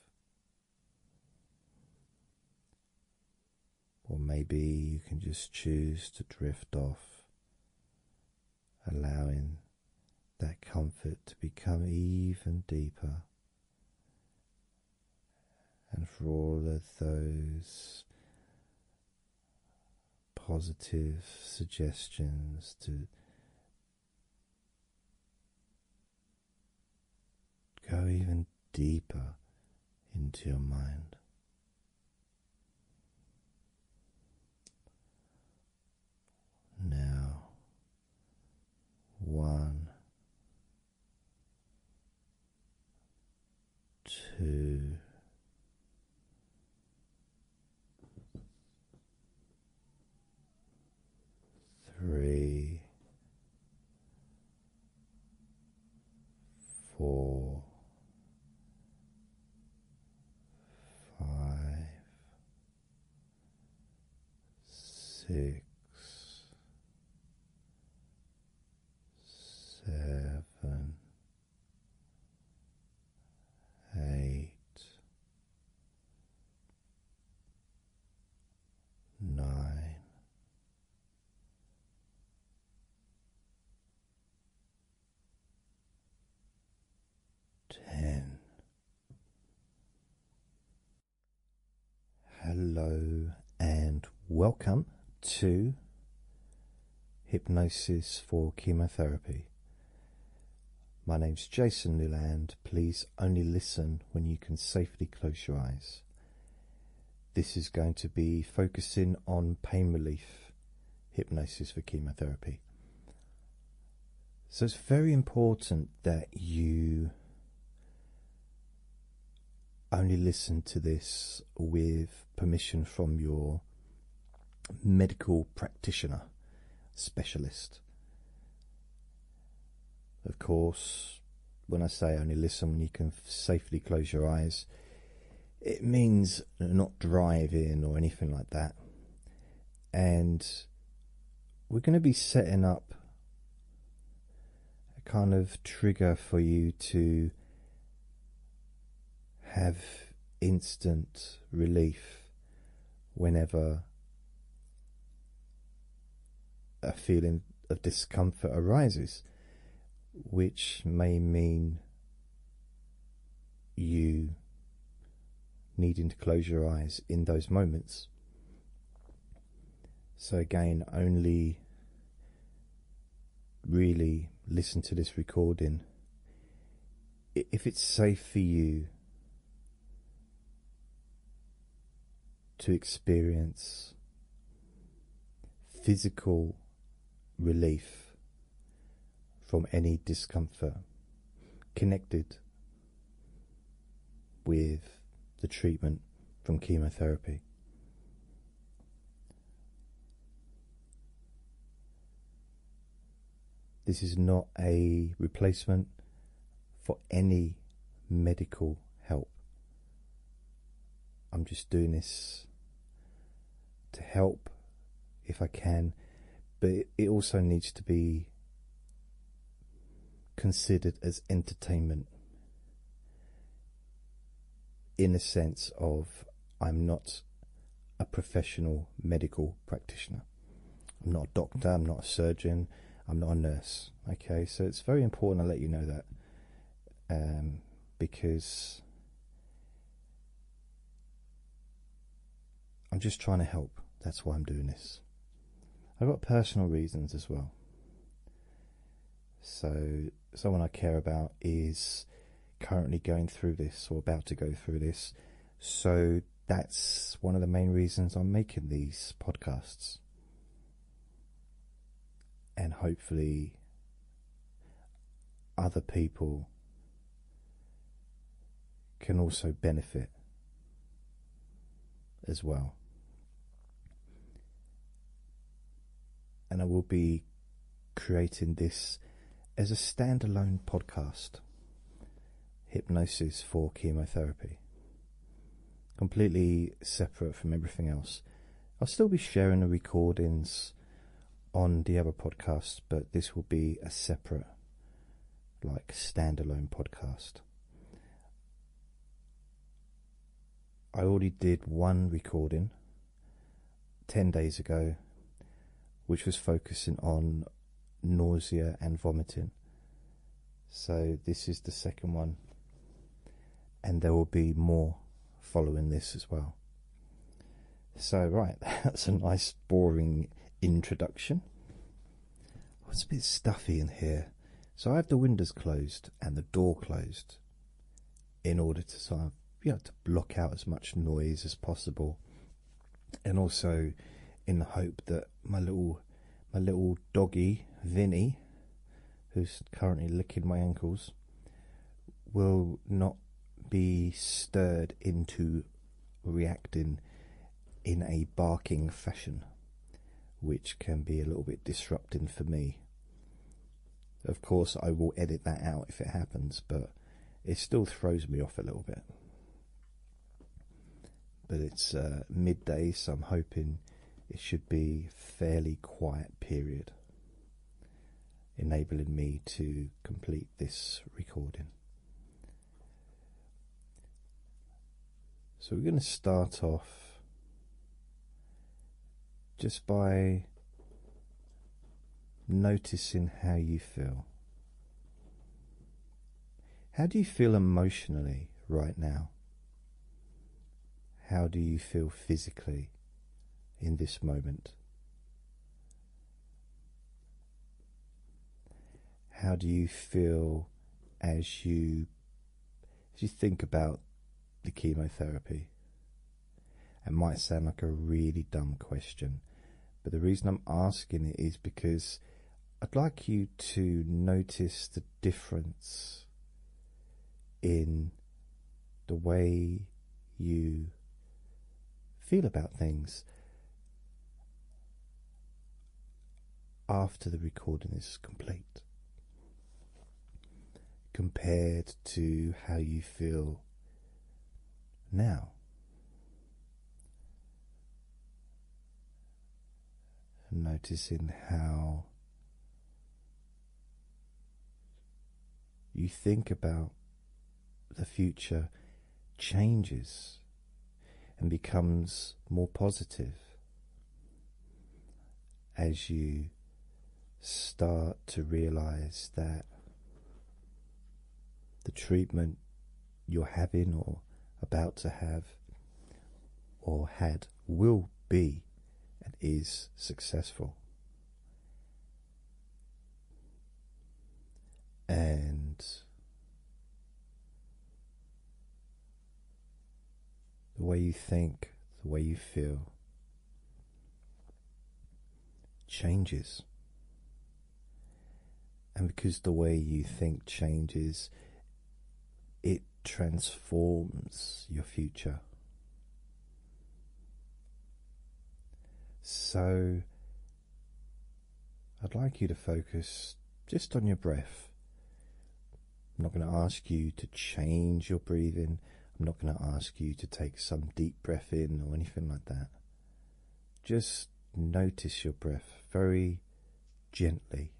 or maybe you can just choose to drift off, allowing that comfort to become even deeper. And for all of those positive suggestions to Go even deeper into your mind. Now, one, two, three, four, five, six, seven, eight nine, ten. Hello and welcome to Hypnosis for Chemotherapy. My name is Jason Newland. Please only listen when you can safely close your eyes. This is going to be focusing on pain relief hypnosis for chemotherapy. So it's very important that you only listen to this with permission from your medical practitioner specialist. Of course, when I say only listen when you can safely close your eyes, it means not driving or anything like that. And we're going to be setting up a kind of trigger for you to have instant relief whenever a feeling of discomfort arises, which may mean you needing to close your eyes in those moments. So, again, only really listen to this recording if it's safe for you to experience physical relief from any discomfort connected with the treatment from chemotherapy. This is not a replacement for any medical help. I'm just doing this to help if I can, but it also needs to be considered as entertainment in a sense of I'm not a professional medical practitioner. I'm not a doctor, I'm not a surgeon, I'm not a nurse okay so it's very important I let you know that um, because I'm just trying to help that's why I'm doing this I've got personal reasons as well so someone I care about is currently going through this or about to go through this so that's one of the main reasons I'm making these podcasts and hopefully other people can also benefit as well. And I will be creating this as a standalone podcast Hypnosis for Chemotherapy completely separate from everything else. I'll still be sharing the recordings on the other podcast, but this will be a separate, like, standalone podcast. I already did one recording 10 days ago, which was focusing on nausea and vomiting. So, this is the second one, and there will be more following this as well. So, right, that's a nice, boring introduction. it's a bit stuffy in here, so I have the windows closed and the door closed in order to sort of, you know, to block out as much noise as possible, and also in the hope that my little my little doggy Vinny who's currently licking my ankles, will not be stirred into reacting in a barking fashion, which can be a little bit disrupting for me. Of course, I will edit that out if it happens, but it still throws me off a little bit. But it's uh, midday, so I'm hoping it should be fairly quiet period enabling me to complete this recording so we're going to start off just by noticing how you feel how do you feel emotionally right now how do you feel physically in this moment? How do you feel as you as you think about the chemotherapy? It might sound like a really dumb question, but the reason I'm asking it is because I'd like you to notice the difference in the way you feel about things after the recording is complete compared to how you feel now and noticing how you think about the future changes and becomes more positive as you start to realize that the treatment you're having or about to have or had will be and is successful. And the way you think, the way you feel changes. And because the way you think changes, it transforms your future. So, I'd like you to focus just on your breath. I'm not going to ask you to change your breathing. I'm not going to ask you to take some deep breath in or anything like that. Just notice your breath very gently.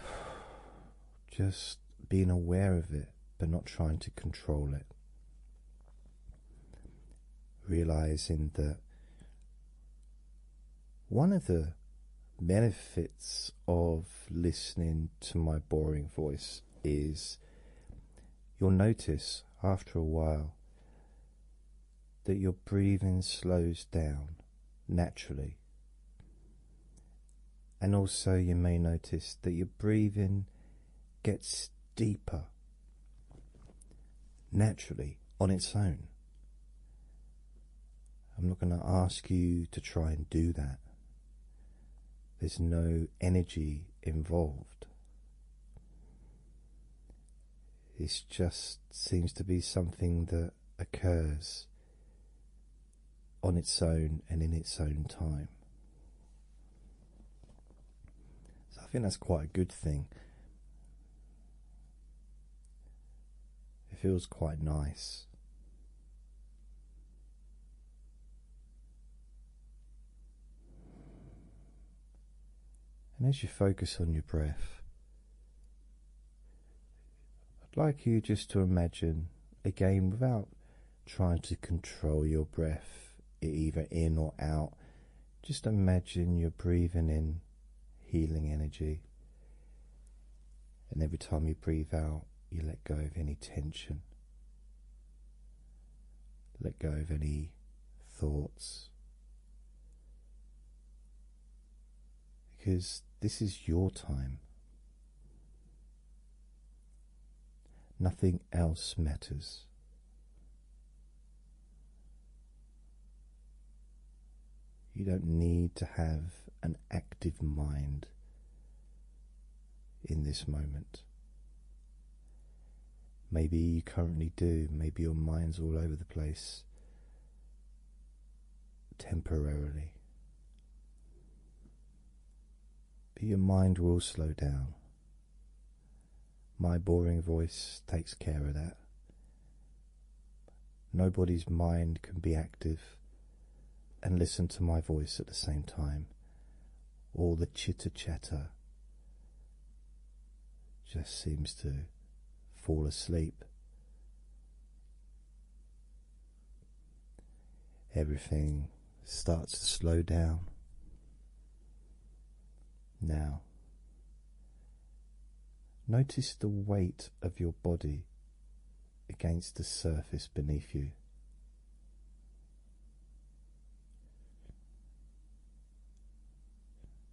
Just being aware of it, but not trying to control it. Realizing that one of the benefits of listening to my boring voice is you'll notice after a while that your breathing slows down naturally. And also, you may notice that your breathing gets deeper naturally on its own. I'm not going to ask you to try and do that. There's no energy involved. It just seems to be something that occurs on its own and in its own time. So I think that's quite a good thing. It feels quite nice. And as you focus on your breath, I'd like you just to imagine, a game without trying to control your breath, either in or out, just imagine you're breathing in healing energy. And every time you breathe out, you let go of any tension, let go of any thoughts because this is your time. Nothing else matters. You don't need to have an active mind in this moment. Maybe you currently do, maybe your mind's all over the place temporarily. But your mind will slow down. My boring voice takes care of that. Nobody's mind can be active and listen to my voice at the same time. All the chitter chatter just seems to fall asleep Everything starts to slow down. Now, notice the weight of your body against the surface beneath you.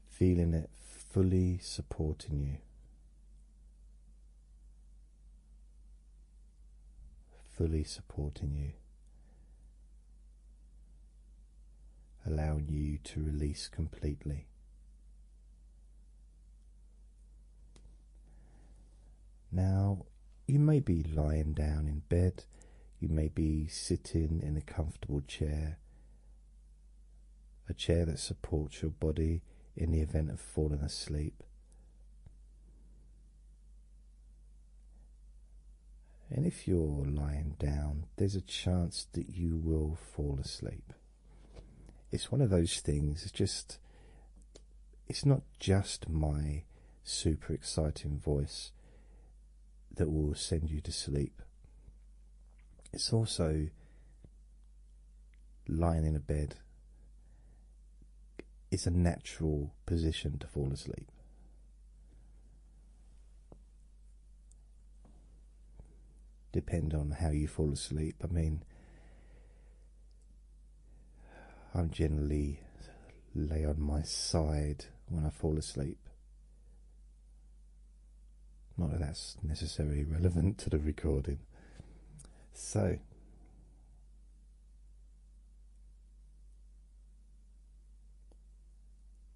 Feeling it fully supporting you fully supporting you, allowing you to release completely. Now, you may be lying down in bed, you may be sitting in a comfortable chair, a chair that supports your body in the event of falling asleep. And if you're lying down, there's a chance that you will fall asleep. It's one of those things, it's just, it's not just my super exciting voice that will send you to sleep. It's also lying in a bed. It's a natural position to fall asleep. Depend on how you fall asleep. I mean, I'm generally lay on my side when I fall asleep. Not that that's necessarily relevant to the recording. So,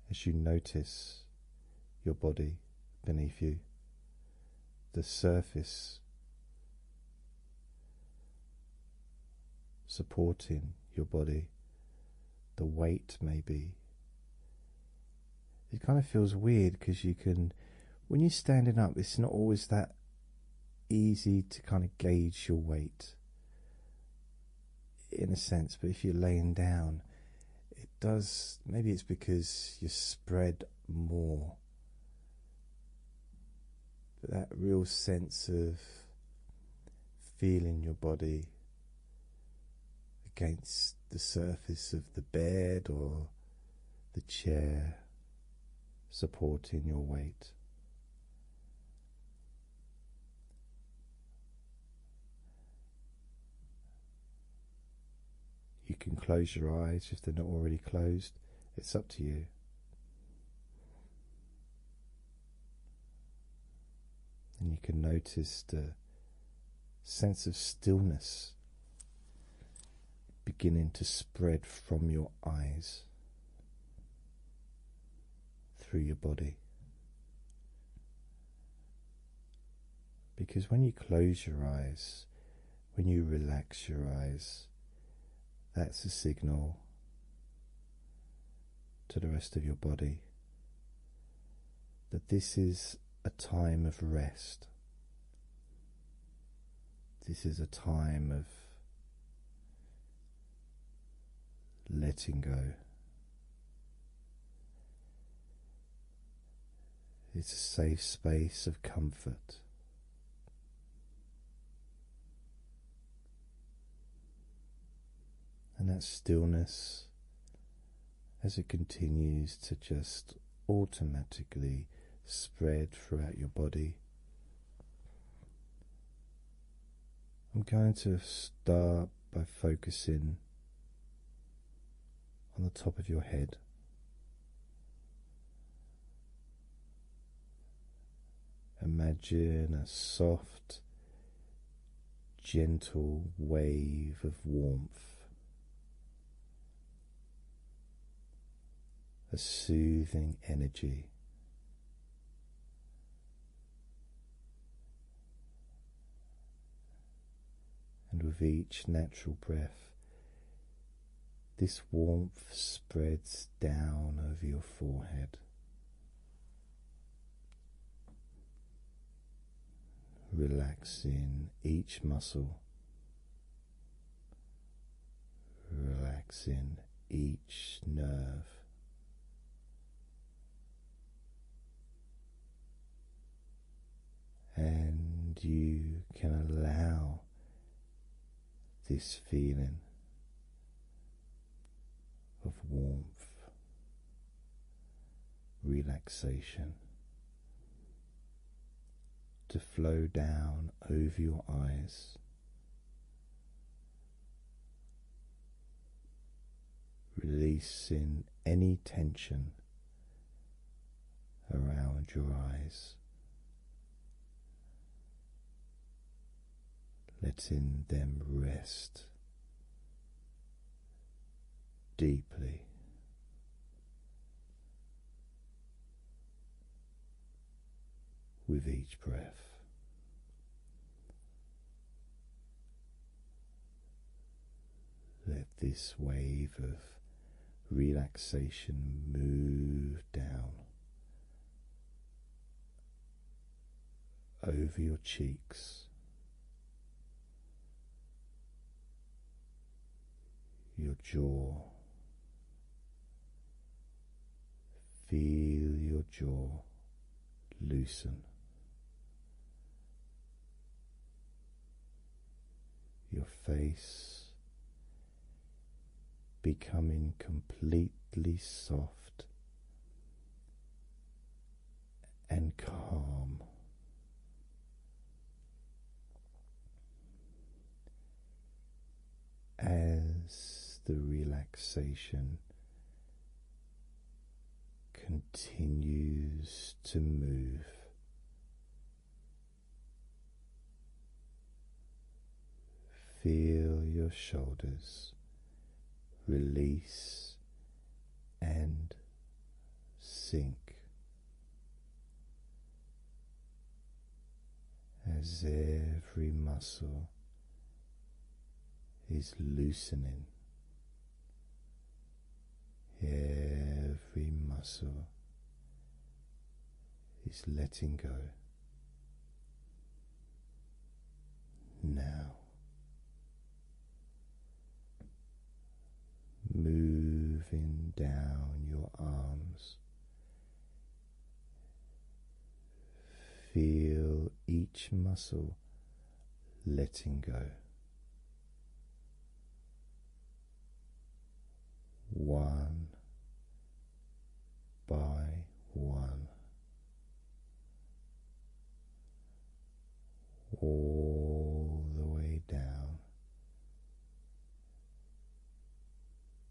as you notice your body beneath you, the surface supporting your body, the weight may be it kind of feels weird because you can when you're standing up it's not always that easy to kind of gauge your weight in a sense but if you're laying down it does maybe it's because you're spread more but that real sense of feeling your body against the surface of the bed or the chair supporting your weight. You can close your eyes if they're not already closed, it's up to you. And you can notice the sense of stillness beginning to spread from your eyes through your body. Because when you close your eyes, when you relax your eyes, that's a signal to the rest of your body that this is a time of rest. This is a time of letting go. It's a safe space of comfort. And that stillness as it continues to just automatically spread throughout your body. I'm going to start by focusing on the top of your head. Imagine a soft, gentle wave of warmth a soothing energy. And with each natural breath, this warmth spreads down over your forehead, relaxing each muscle relaxing each nerve. And you can allow this feeling of warmth, relaxation, to flow down over your eyes. Releasing any tension around your eyes, letting them rest deeply with each breath. Let this wave of relaxation move down over your cheeks, your jaw. Feel your jaw loosen. Your face becoming completely soft and calm as the relaxation continues to move. Feel your shoulders release and sink as every muscle is loosening, every muscle is letting go. Now moving down your arms Feel each muscle letting go. One by one, all the way down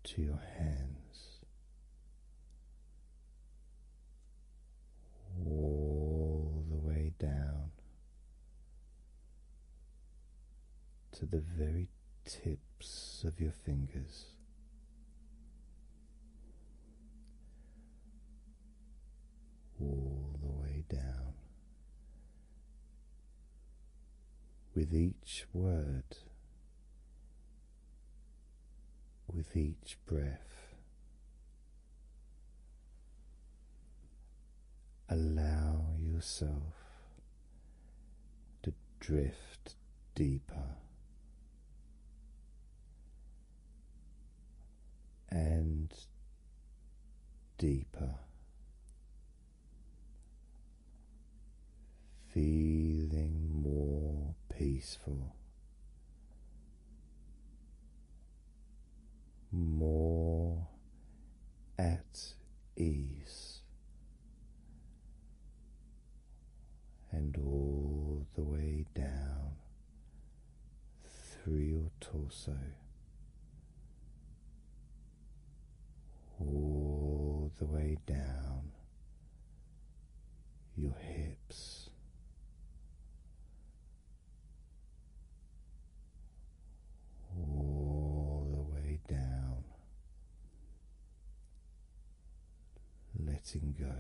to your hands, all the way down to the very tips of your fingers. All the way down with each word, with each breath. Allow yourself to drift deeper and deeper feeling more peaceful, more at ease, and all the way down through your torso all the way down your hips. All the way down, letting go.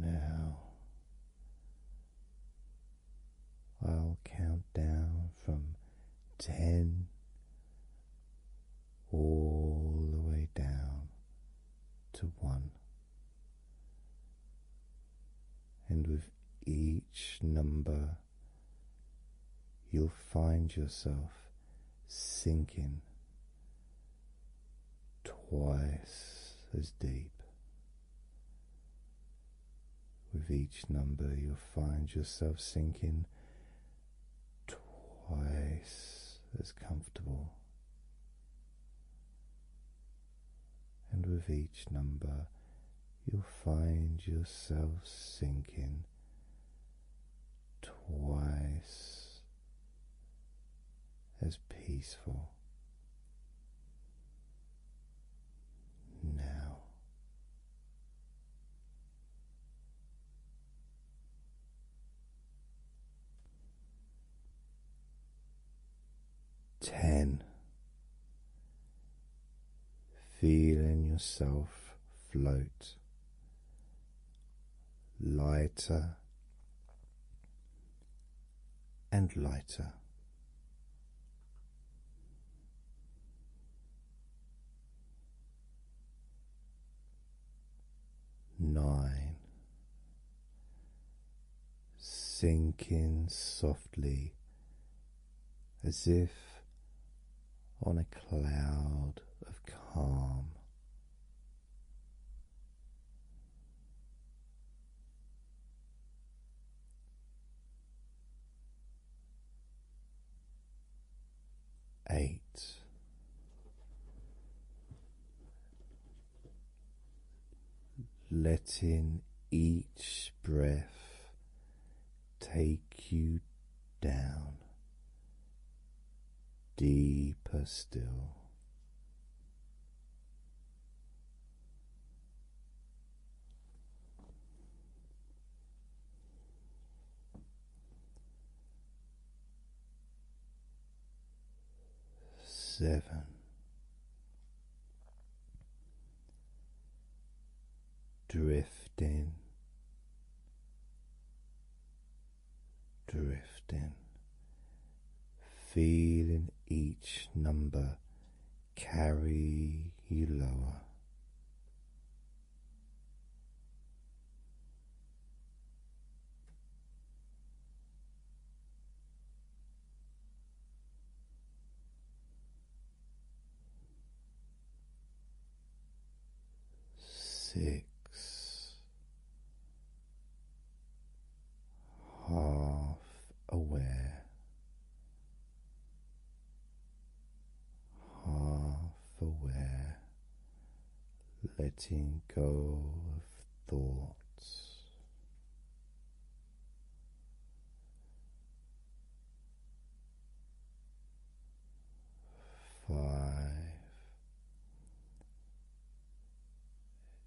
Now I'll count down from ten, all the way down to one. And with each number, you'll find yourself sinking twice as deep. With each number, you'll find yourself sinking twice as comfortable. And with each number, you'll find yourself sinking twice as peaceful. Now Ten, feeling yourself float lighter and lighter. Nine, sinking softly as if on a cloud of calm eight. Letting each breath take you down deeper still seven, drifting, drifting, feeling each number carry you lower. Six half aware half aware, letting go of thoughts. Five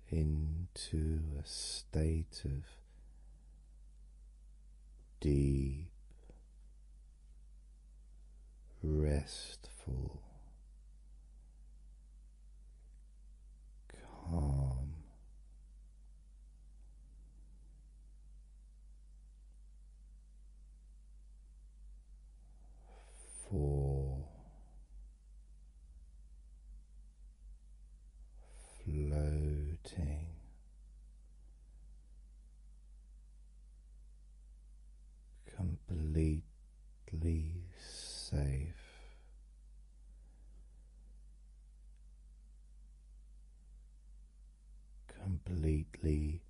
into a state of deep restful, calm. Four floating completely safe. Completely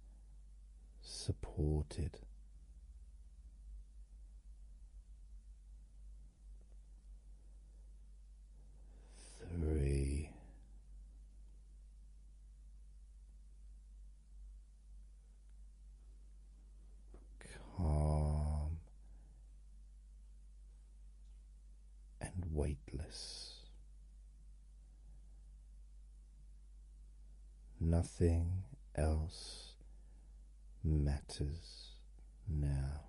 supported. Three, calm and weightless. Nothing else matters now.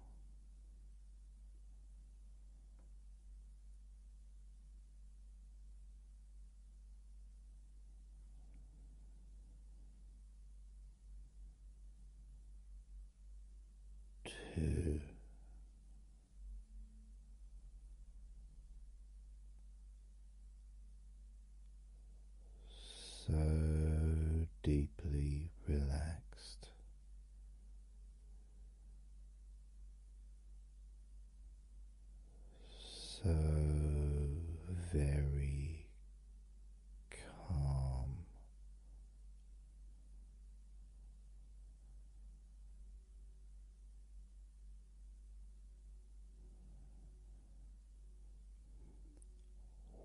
Two. So deeply relaxed so very calm.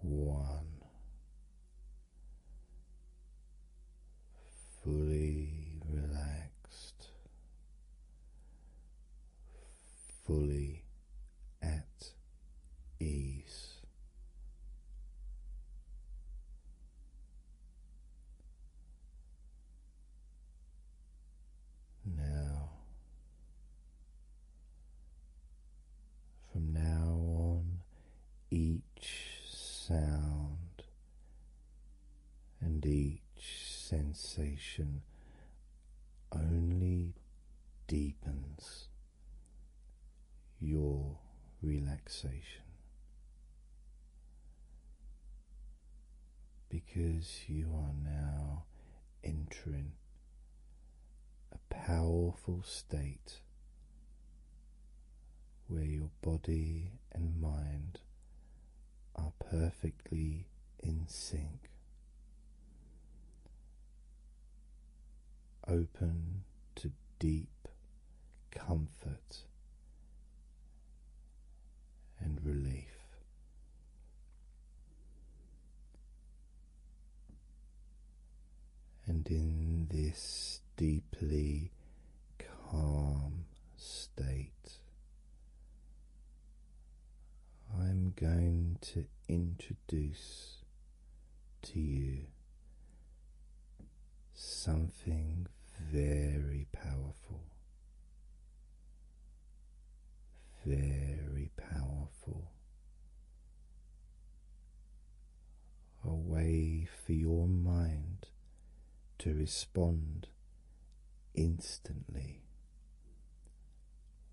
One fully relaxed fully at ease. Now, from now on, each sound and each sensation only deepens your relaxation because you are now entering a powerful state where your body and mind are perfectly in sync. Open to deep comfort and relief. And in this deeply calm state, I'm going to introduce to you something very powerful, very powerful. A way for your mind to respond instantly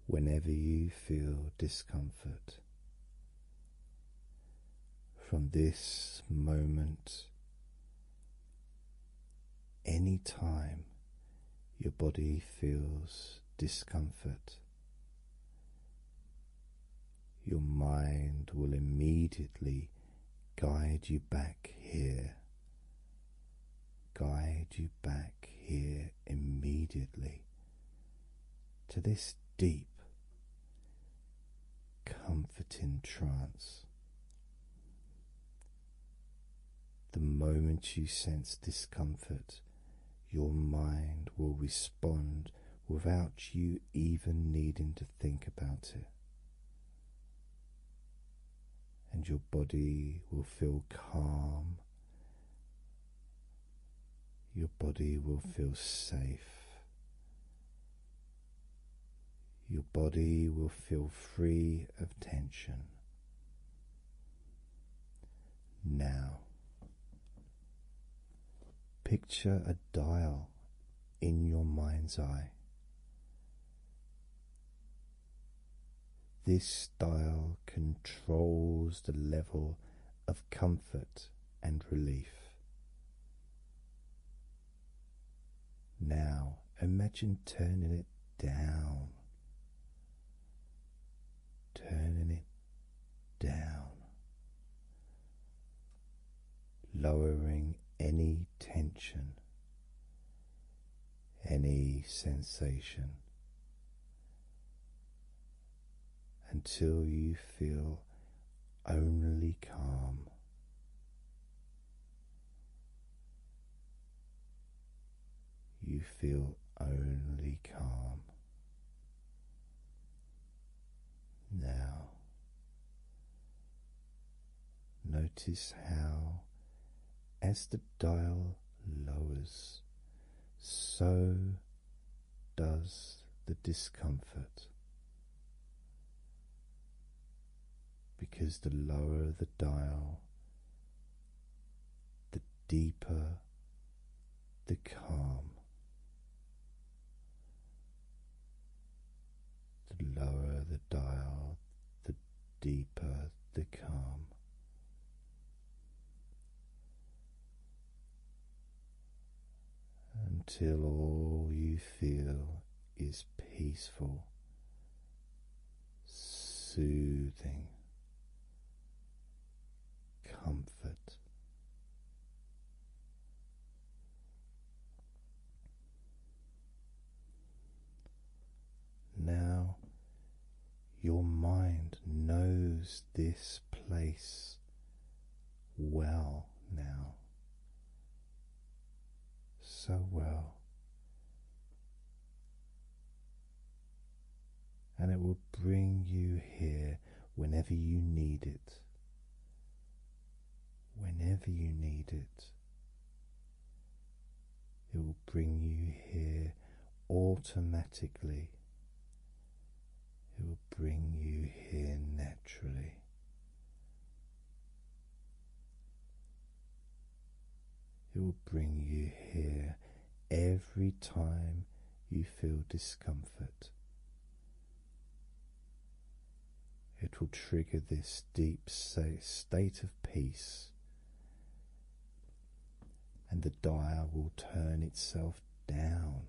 whenever you feel discomfort. From this moment, any time your body feels discomfort, your mind will immediately guide you back here, guide you back here immediately to this deep, comforting trance. The moment you sense discomfort, your mind will respond without you even needing to think about it and your body will feel calm. Your body will feel safe. Your body will feel free of tension. Now, picture a dial in your mind's eye. This style controls the level of comfort and relief. Now imagine turning it down, turning it down, lowering any tension any sensation until you feel only calm. You feel only calm. Now Notice how, as the dial lowers, so does the discomfort. Because the lower the dial, the deeper the calm. The lower the dial, the deeper the calm. Until all you feel is peaceful, soothing, comfort. Now your mind knows this place well now, so well, and it will bring you here whenever you need it. Whenever you need it, it will bring you here automatically. It will bring you here naturally. It will bring you here every time you feel discomfort. It will trigger this deep state of peace and the dial will turn itself down.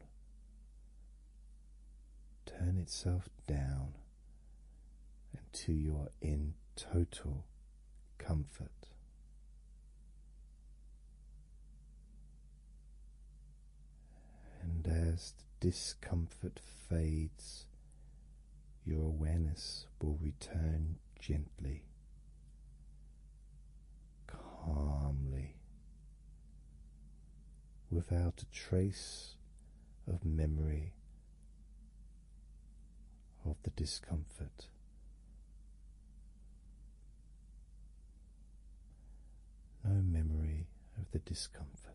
Turn itself down until you are in total comfort. And as the discomfort fades, your awareness will return gently, calmly, without a trace of memory of the discomfort. No memory of the discomfort.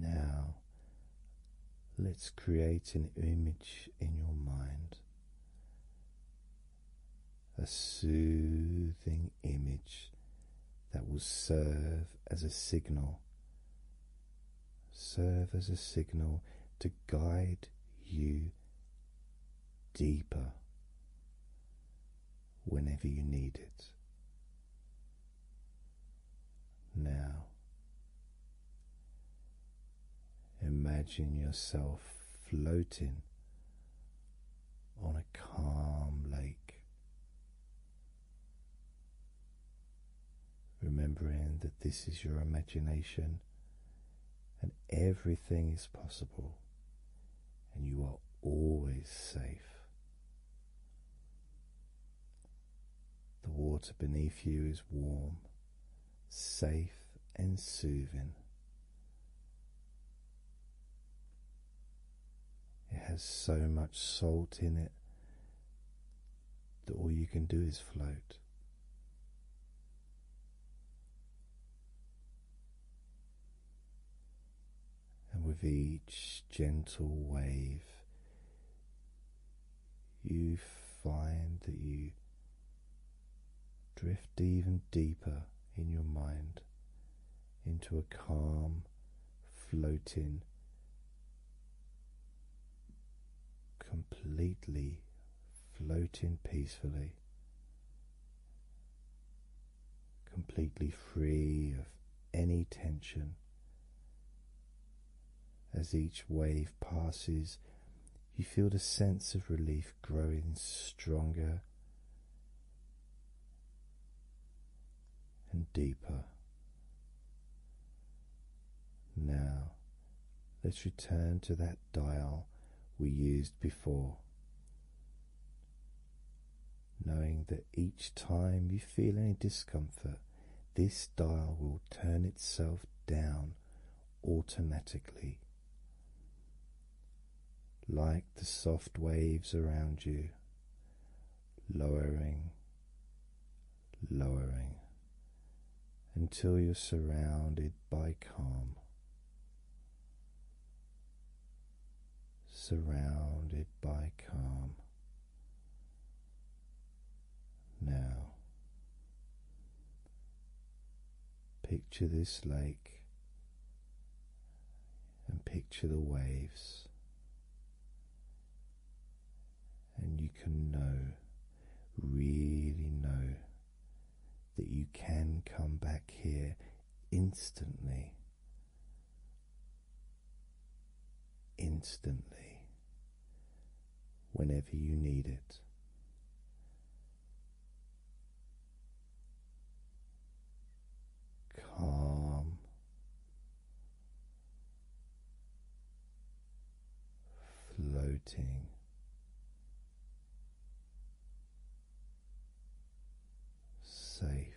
Now, let's create an image in your mind, a soothing image that will serve as a signal. Serve as a signal to guide you deeper whenever you need it. Now, imagine yourself floating on a calm lake. Remembering that this is your imagination and everything is possible, and you are always safe. The water beneath you is warm, safe, and soothing. It has so much salt in it that all you can do is float. And with each gentle wave, you find that you drift even deeper in your mind into a calm, floating, completely floating peacefully, completely free of any tension. As each wave passes, you feel the sense of relief growing stronger and deeper. Now let's return to that dial we used before. Knowing that each time you feel any discomfort, this dial will turn itself down automatically, like the soft waves around you lowering, lowering until you're surrounded by calm. Surrounded by calm. Now, picture this lake and picture the waves and you can know, really know, that you can come back here instantly. Instantly, whenever you need it. Calm floating. Safe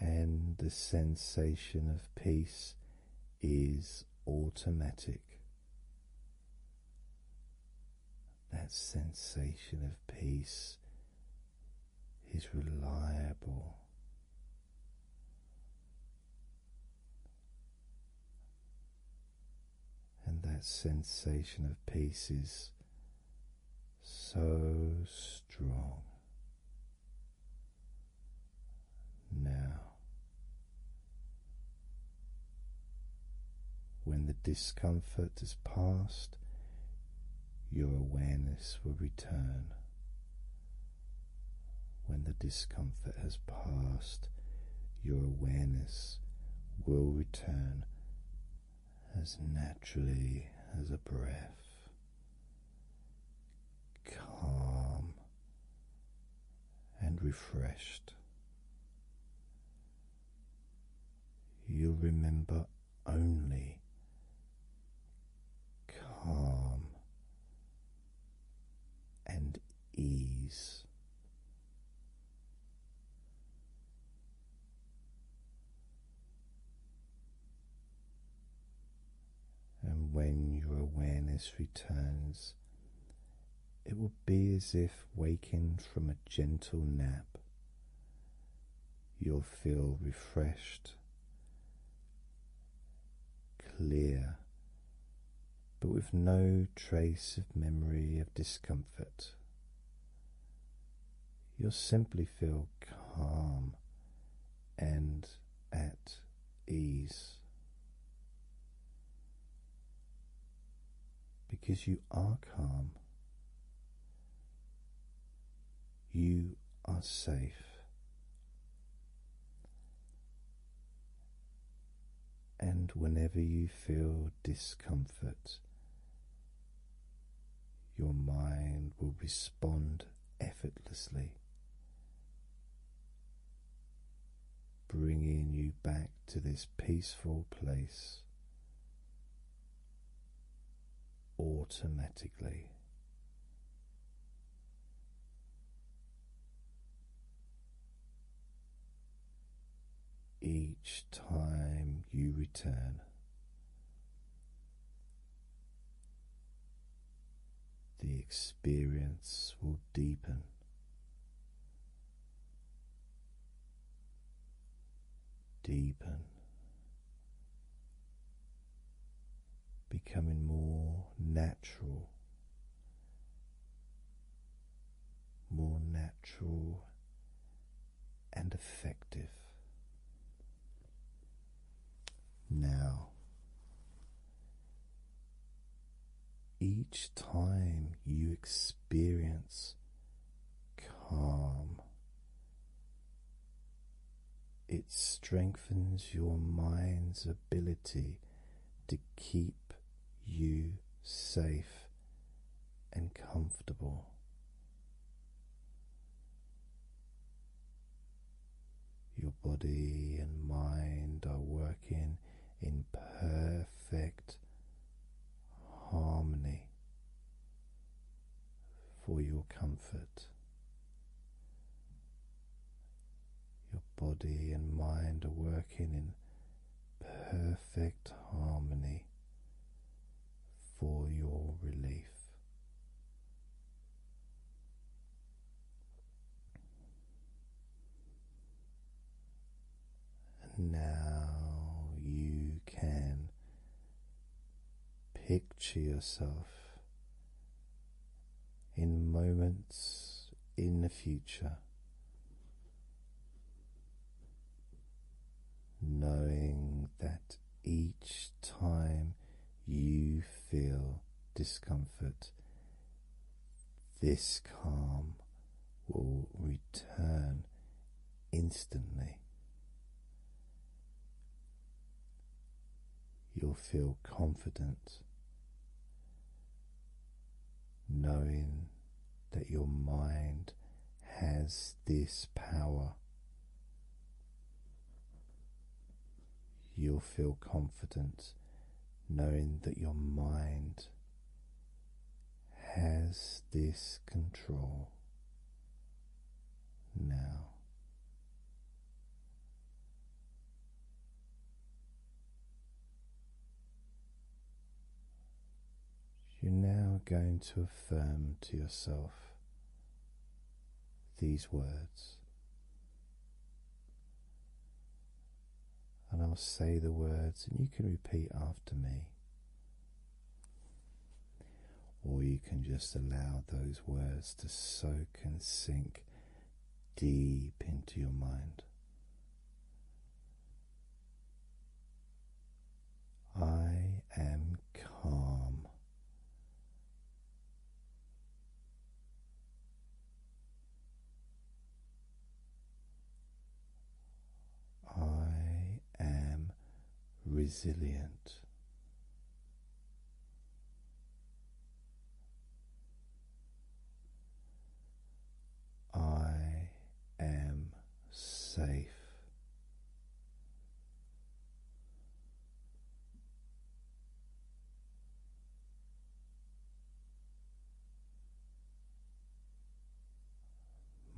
and the sensation of peace is automatic. That sensation of peace is reliable. And that sensation of peace is so strong. Now, when the discomfort has passed, your awareness will return. When the discomfort has passed, your awareness will return as naturally as a breath, calm and refreshed. You'll remember only calm and ease. And when your awareness returns, it will be as if waking from a gentle nap. You'll feel refreshed, clear, but with no trace of memory of discomfort. You'll simply feel calm and at ease because you are calm, you are safe. And whenever you feel discomfort, your mind will respond effortlessly bringing you back to this peaceful place automatically. Each time you return, the experience will deepen deepen, becoming more natural, more natural and effective. Now each time you experience calm, it strengthens your mind's ability to keep you safe and comfortable. Your body and mind are working in perfect harmony for your comfort. Your body and mind are working in perfect harmony for your relief now you can picture yourself in moments in the future. Knowing that each time you feel discomfort this calm will return instantly. You'll feel confident knowing that your mind has this power. You'll feel confident knowing that your mind has this control now. You're now going to affirm to yourself these words and I'll say the words, and you can repeat after me. Or you can just allow those words to soak and sink deep into your mind. I am calm. I am resilient. I am safe.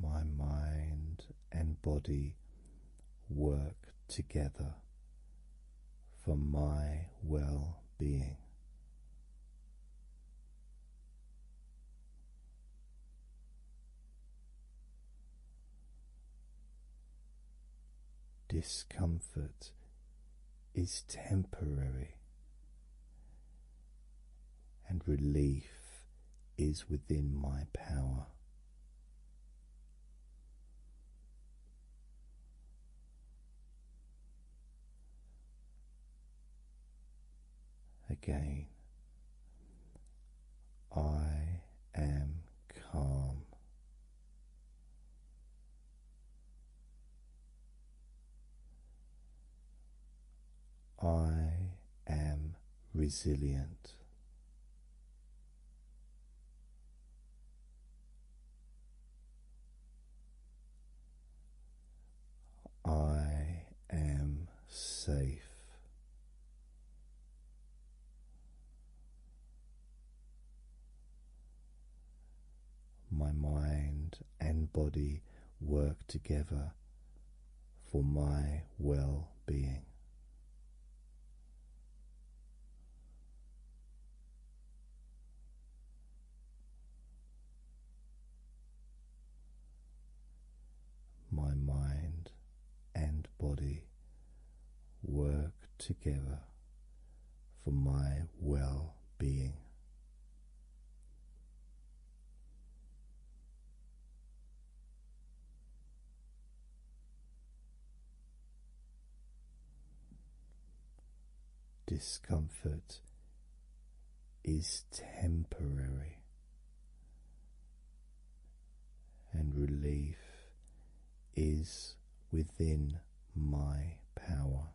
My mind and body work together for my well being. Discomfort is temporary and relief is within my power. Again, I am calm. I am resilient. I am safe my mind and body work together for my well being. My mind and body work together for my well being. Discomfort is temporary, and relief is within my power.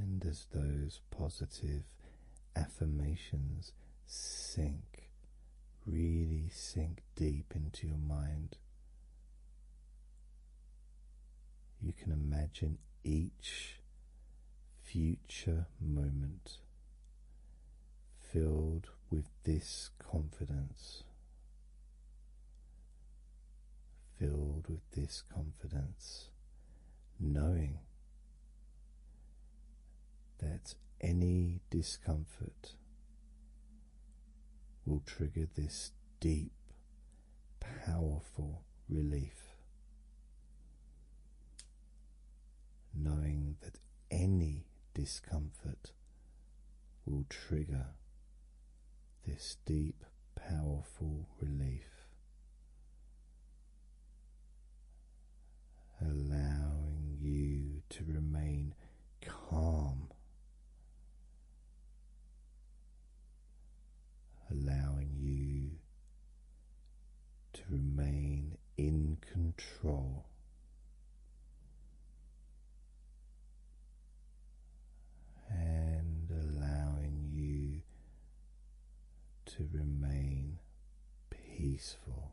And as those positive affirmations sink really sink deep into your mind. You can imagine each future moment filled with this confidence, filled with this confidence, knowing that any discomfort will trigger this deep, powerful relief. Knowing that any discomfort will trigger this deep, powerful relief. Allowing you to remain calm, allowing you to remain in control. And allowing you to remain peaceful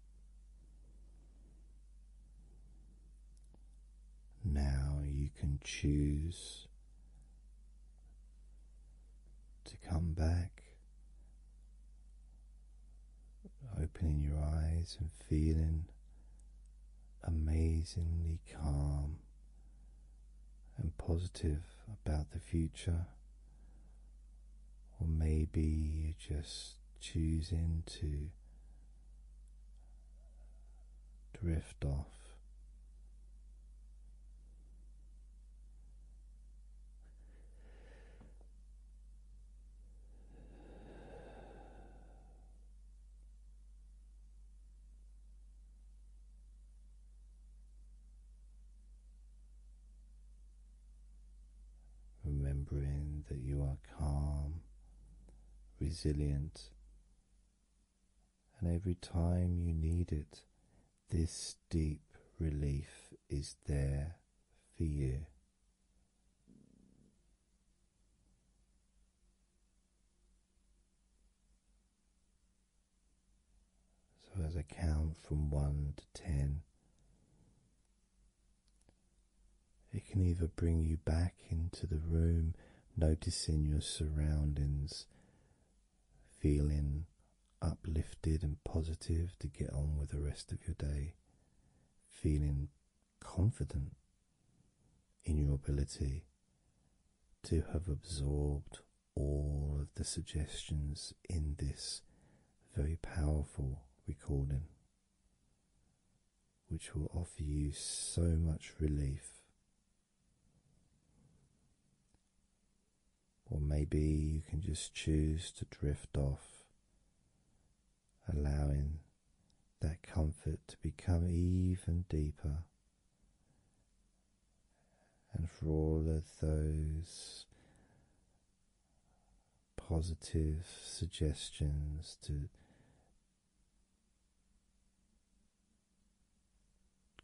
Now you can choose to come back, opening your eyes and feeling amazingly calm and positive about the future or maybe you're just choosing to drift off. Remembering that you are calm, resilient, and every time you need it, this deep relief is there for you. So, as I count from one to ten, it can either bring you back into the room, noticing your surroundings, feeling uplifted and positive to get on with the rest of your day, feeling confident in your ability to have absorbed all of the suggestions in this very powerful recording which will offer you so much relief. Or maybe you can just choose to drift off, allowing that comfort to become even deeper. And for all of those positive suggestions to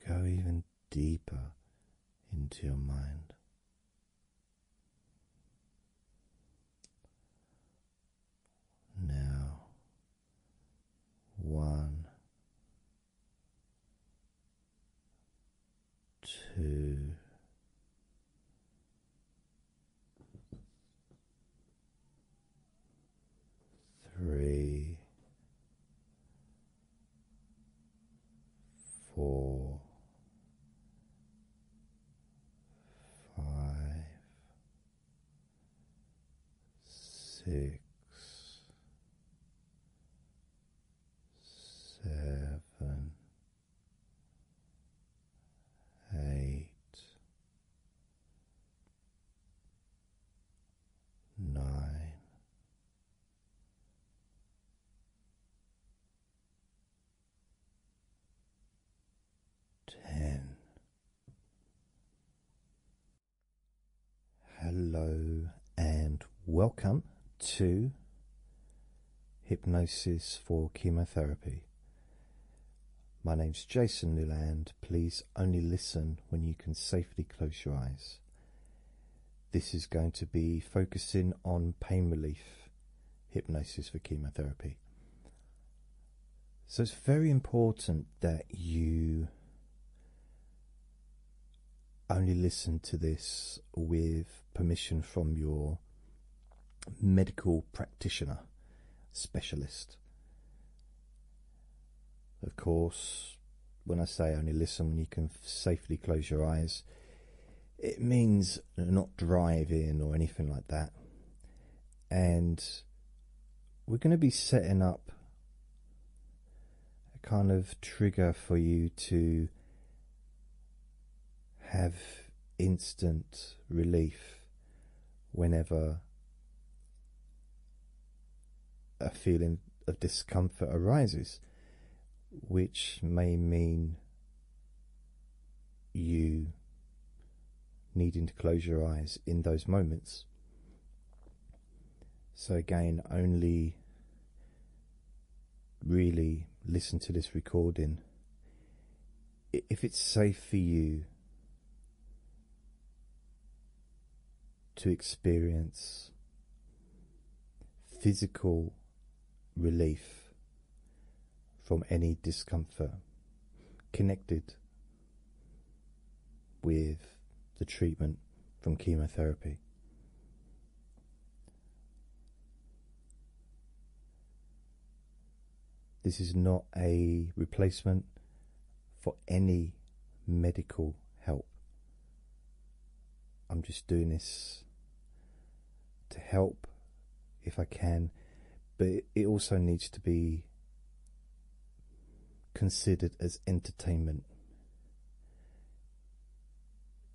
go even deeper into your mind. Now, one Two, three, four, five, six, seven eight, nine, ten. Hello and welcome to hypnosis for chemotherapy. My name's Jason Newland. Please only listen when you can safely close your eyes. This is going to be focusing on pain relief hypnosis for chemotherapy. So it's very important that you only listen to this with permission from your medical practitioner specialist. Of course, when I say only listen when you can safely close your eyes, it means not driving or anything like that. And we're going to be setting up a kind of trigger for you to have instant relief whenever a feeling of discomfort arises, which may mean you needing to close your eyes in those moments. So, again, only really listen to this recording if it's safe for you to experience physical relief from any discomfort connected with the treatment from chemotherapy. This is not a replacement for any medical help. I'm just doing this to help if I can, but it also needs to be considered as entertainment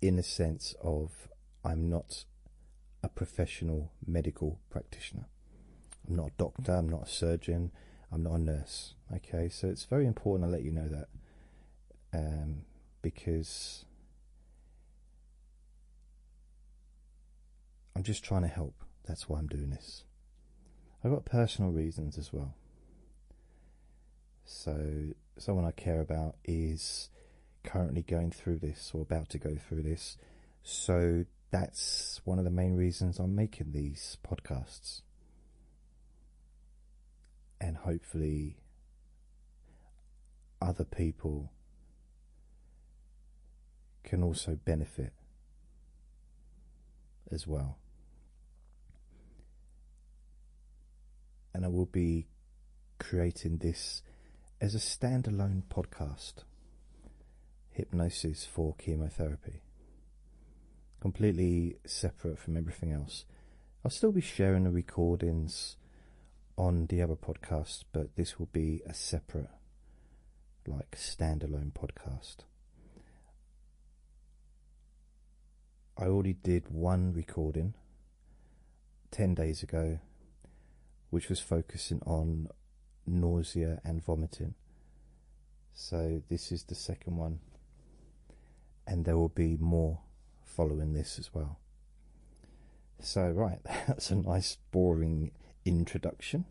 in a sense of I'm not a professional medical practitioner. I'm not a doctor, I'm not a surgeon, I'm not a nurse. Okay, so it's very important I let you know that um, because I'm just trying to help. That's why I'm doing this. I've got personal reasons as well. So, someone I care about is currently going through this or about to go through this. So that's one of the main reasons I'm making these podcasts. And hopefully, other people can also benefit as well. And I will be creating this as a standalone podcast hypnosis for chemotherapy. Completely separate from everything else. I'll still be sharing the recordings on the other podcast, but this will be a separate, like, standalone podcast. I already did one recording 10 days ago, which was focusing on nausea and vomiting. So, this is the second one, and there will be more following this as well. So, right, that's a nice, boring introduction.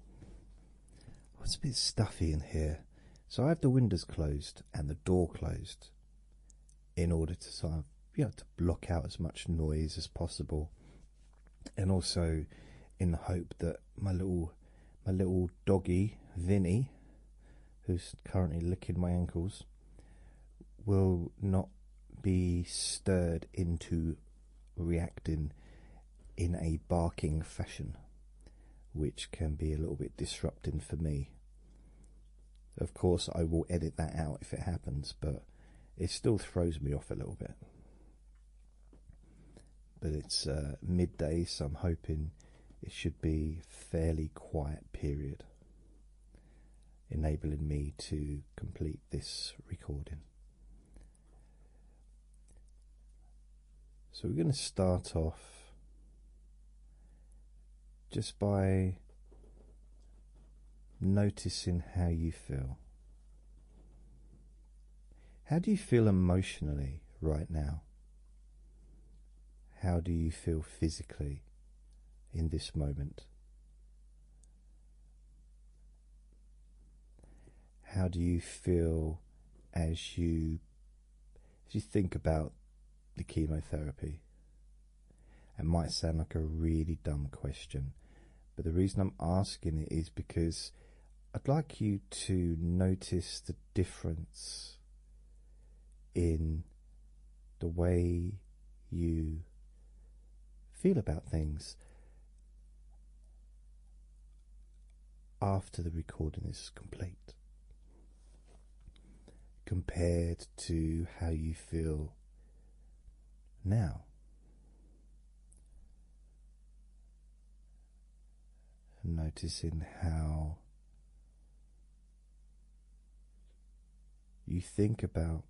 Oh, it's a bit stuffy in here, so I have the windows closed and the door closed in order to sort of, you know, to block out as much noise as possible and also in the hope that my little my little doggy Vinny, who's currently licking my ankles, will not be stirred into reacting in a barking fashion, which can be a little bit disrupting for me. Of course, I will edit that out if it happens, but it still throws me off a little bit. But it's uh, midday, so I'm hoping it should be fairly quiet period, enabling me to complete this recording. So we're going to start off just by noticing how you feel. How do you feel emotionally right now? How do you feel physically in this moment? How do you feel as you as you think about the chemotherapy? It might sound like a really dumb question, but the reason I'm asking it is because I'd like you to notice the difference in the way you feel about things after the recording is complete compared to how you feel now. Noticing how you think about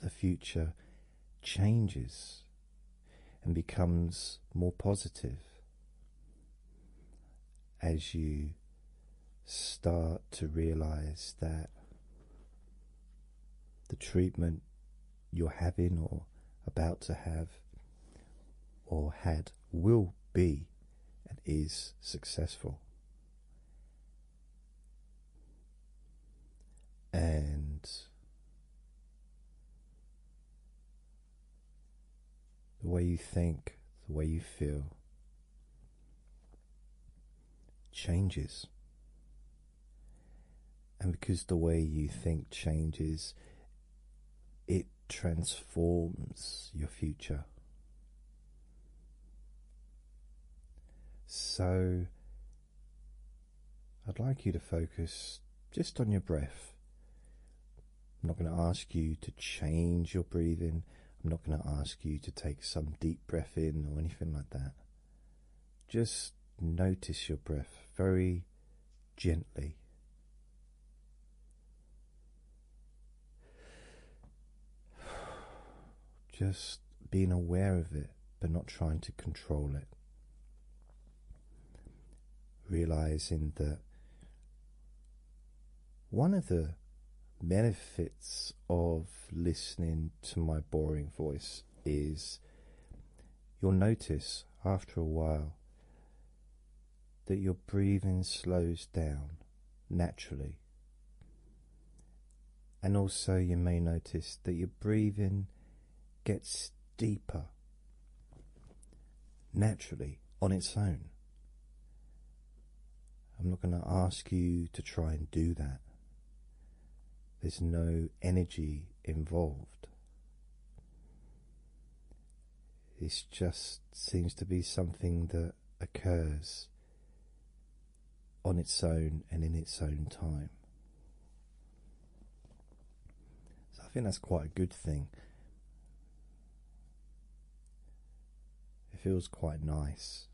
the future changes and becomes more positive as you start to realize that the treatment you're having or about to have or had will be and is successful. And the way you think, the way you feel changes and because the way you think changes, it transforms your future. So, I'd like you to focus just on your breath. I'm not going to ask you to change your breathing. I'm not going to ask you to take some deep breath in or anything like that. Just notice your breath very gently. Just being aware of it, but not trying to control it. Realizing that one of the benefits of listening to my boring voice is You'll notice after a while that your breathing slows down naturally. And also, you may notice that your breathing gets deeper naturally on its own. I'm not going to ask you to try and do that there's no energy involved. It just seems to be something that occurs on its own and in its own time. So I think that's quite a good thing. It feels quite nice.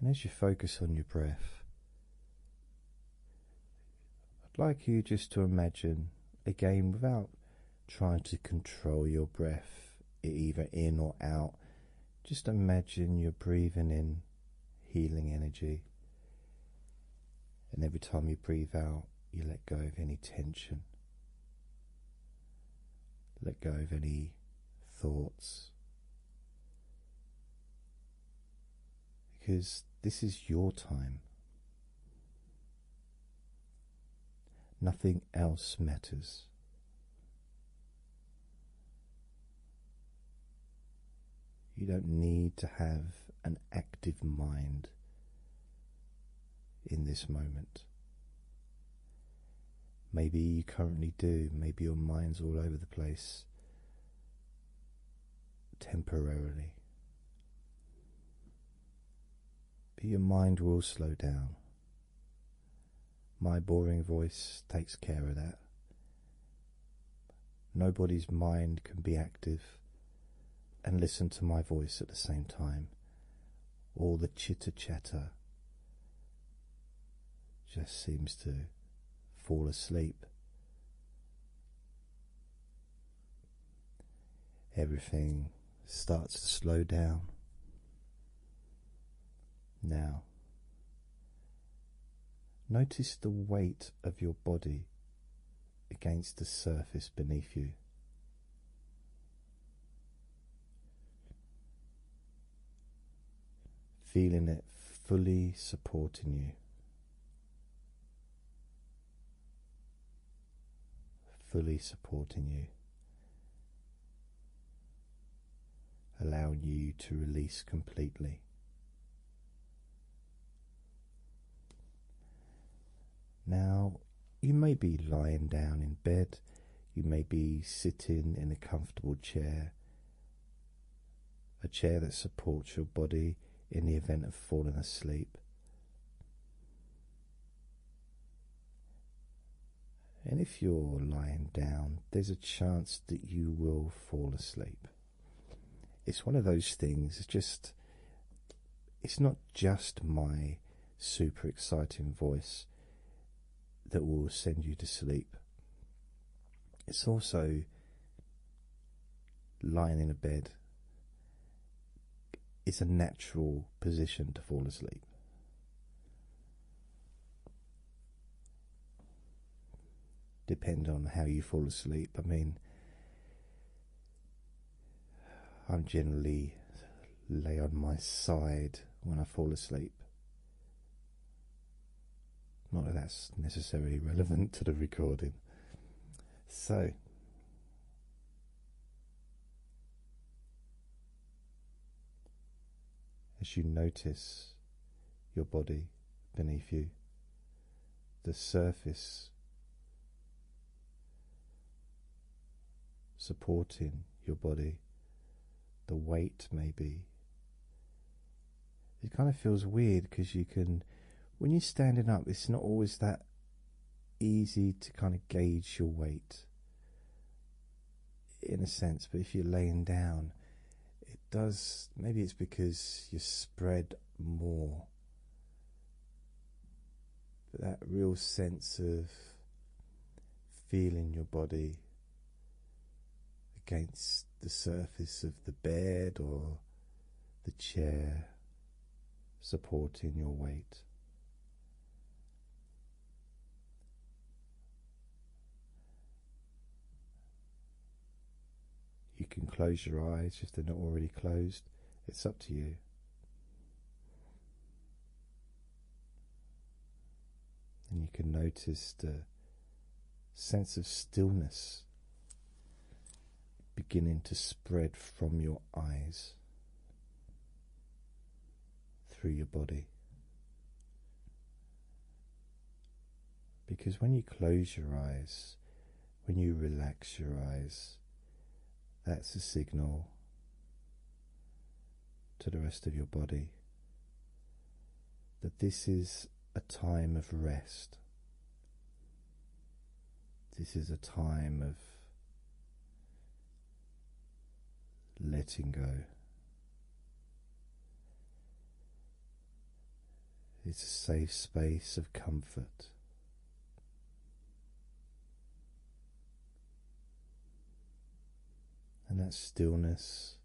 And as you focus on your breath, I'd like you just to imagine again without trying to control your breath either in or out. Just imagine you're breathing in healing energy, and every time you breathe out, you let go of any tension. Let go of any thoughts. Because this is your time. Nothing else matters. You don't need to have an active mind in this moment. Maybe you currently do, maybe your mind's all over the place temporarily. But your mind will slow down. My boring voice takes care of that. Nobody's mind can be active and listen to my voice at the same time all the chitter chatter just seems to fall asleep. Everything starts to slow down. Now, notice the weight of your body against the surface beneath you. Feeling it fully supporting you, fully supporting you, allowing you to release completely. Now, you may be lying down in bed, you may be sitting in a comfortable chair, a chair that supports your body in the event of falling asleep. And if you're lying down, there's a chance that you will fall asleep. It's one of those things, it's just, it's not just my super exciting voice that will send you to sleep. It's also lying in a bed. It's a natural position to fall asleep. Depend on how you fall asleep. I mean, I'm generally lay on my side when I fall asleep. Not that that's necessarily relevant to the recording. So, as you notice your body beneath you, the surface supporting your body, the weight maybe. It kind of feels weird because you can, when you're standing up, it's not always that easy to kind of gauge your weight in a sense, but if you're laying down, it does. Maybe it's because you're spread more but that real sense of feeling your body against the surface of the bed or the chair supporting your weight. You can close your eyes if they're not already closed. It's up to you. And you can notice the sense of stillness beginning to spread from your eyes through your body. Because when you close your eyes, when you relax your eyes, that's a signal to the rest of your body that this is a time of rest. This is a time of letting go. It's a safe space of comfort and that stillness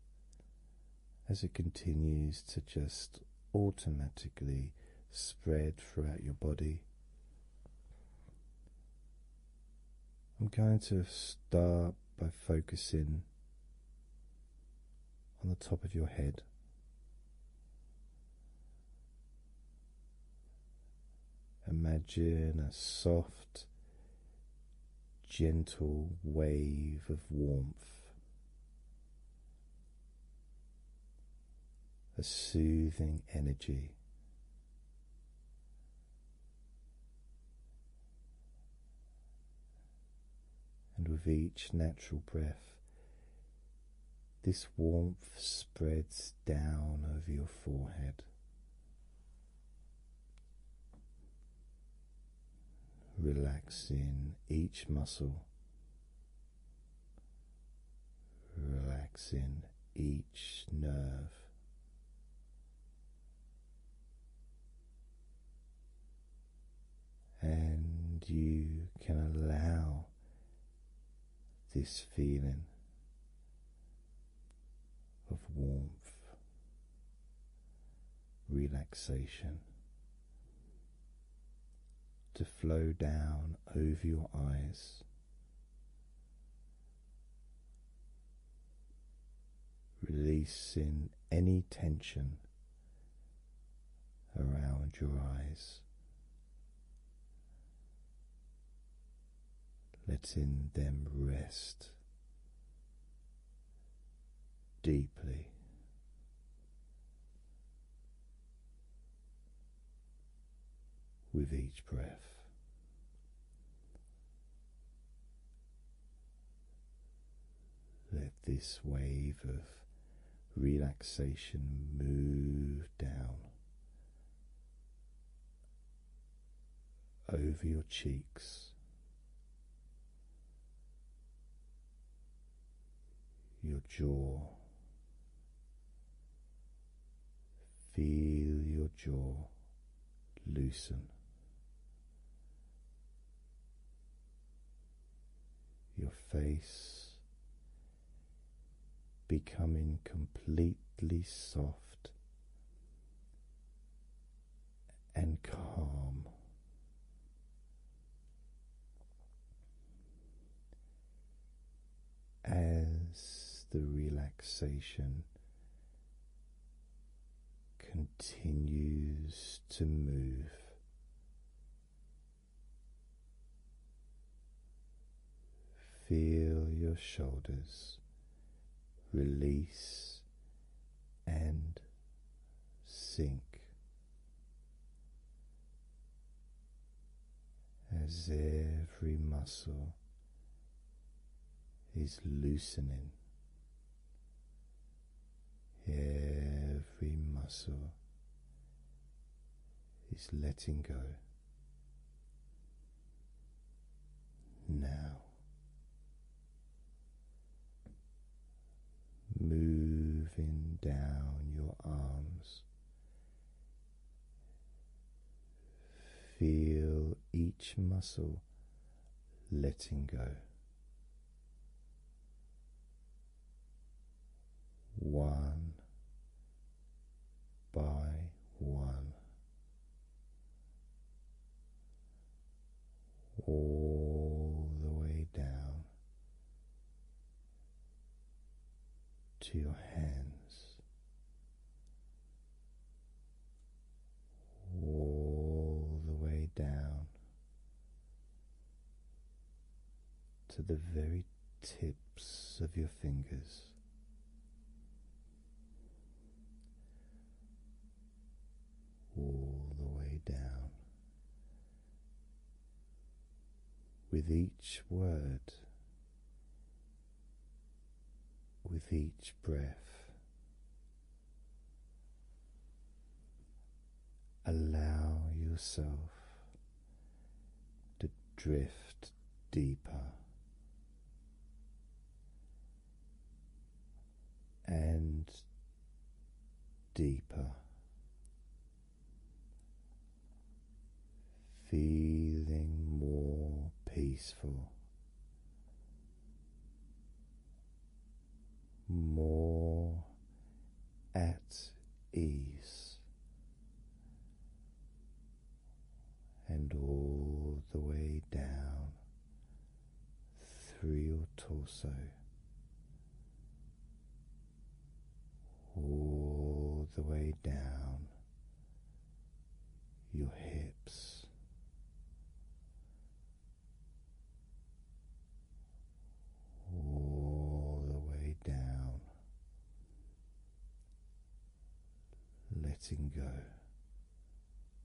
as it continues to just automatically spread throughout your body. I'm going to start by focusing on the top of your head. Imagine a soft, gentle wave of warmth, a soothing energy. And with each natural breath, this warmth spreads down over your forehead, relaxing each muscle, relaxing each nerve. And you can allow this feeling of warmth, relaxation to flow down over your eyes. Releasing any tension around your eyes, letting them rest deeply. With each breath, let this wave of relaxation move down over your cheeks, your jaw. Feel your jaw loosen. Your face becoming completely soft and calm. As the relaxation continues to move, feel your shoulders release and sink as every muscle is loosening. Every muscle is letting go now moving down your arms. Feel each muscle letting go. One by one, all the way down to your hands, all the way down to the very tips of your fingers all the way down. With each word, with each breath, allow yourself to drift deeper and deeper, feeling more peaceful, more at ease. And all the way down through your torso, all the way down your hips. All the way down, letting go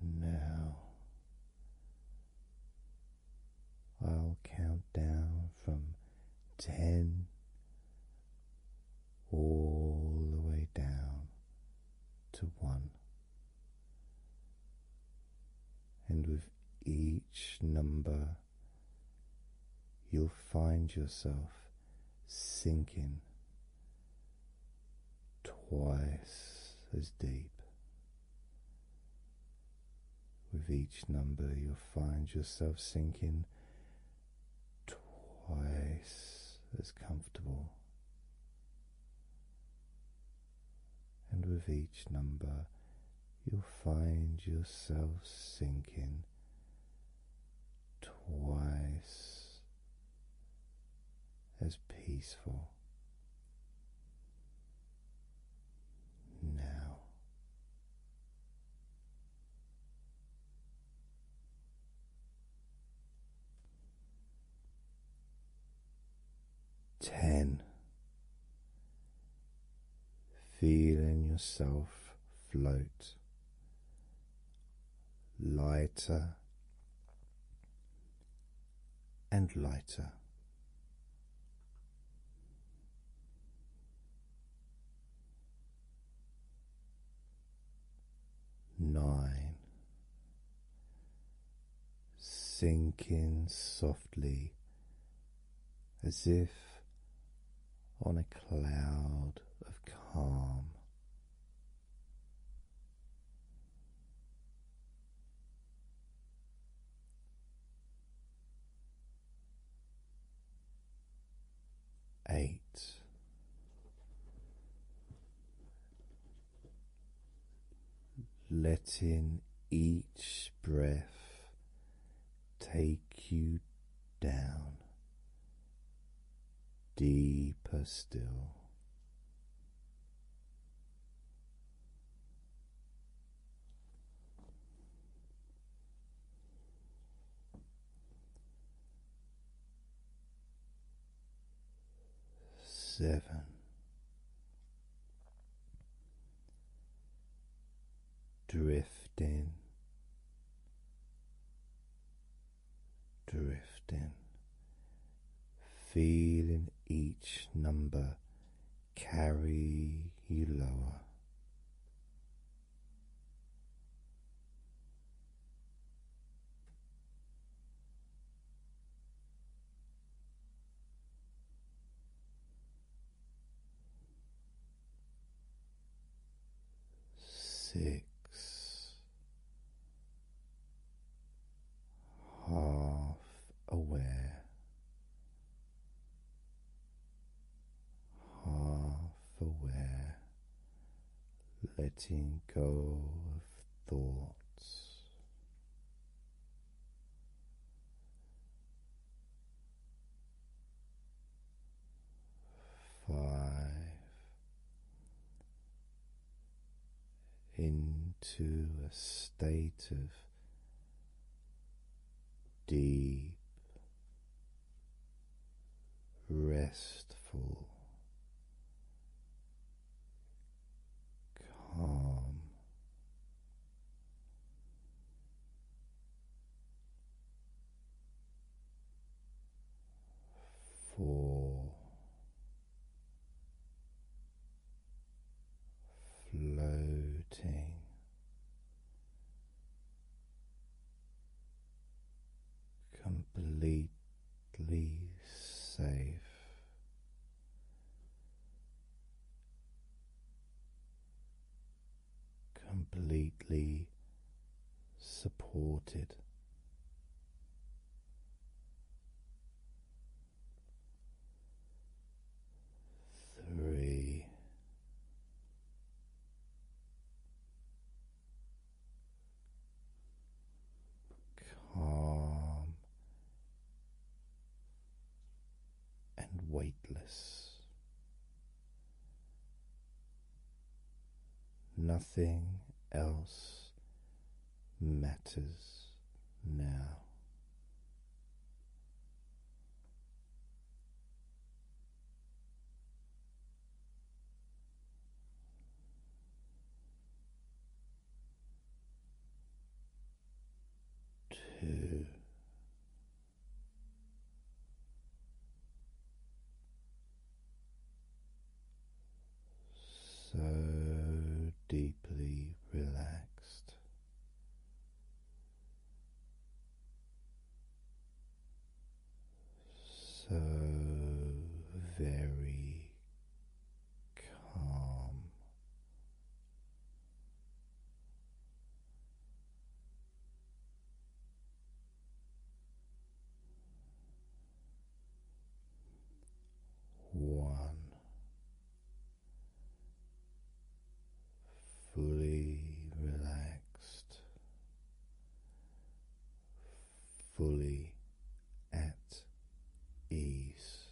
Now I'll count down from ten all the way down to one, and with each number, you'll find yourself sinking twice as deep. With each number, you'll find yourself sinking twice as comfortable. And with each number, you'll find yourself sinking twice as peaceful now. Ten, feeling yourself float lighter and lighter. Nine. Sink softly as if on a cloud of calm. Eight. Letting each breath take you down deeper still seven, drifting, drifting feeling each number carry you lower. Six, half aware, half aware, letting go of thoughts. Five, into a state of deep, restful, calm. Four, floating. Completely safe, completely supported, three. Calm and weightless, nothing else matters now. Two so deeply relaxed. So very calm, one fully relaxed, fully at ease.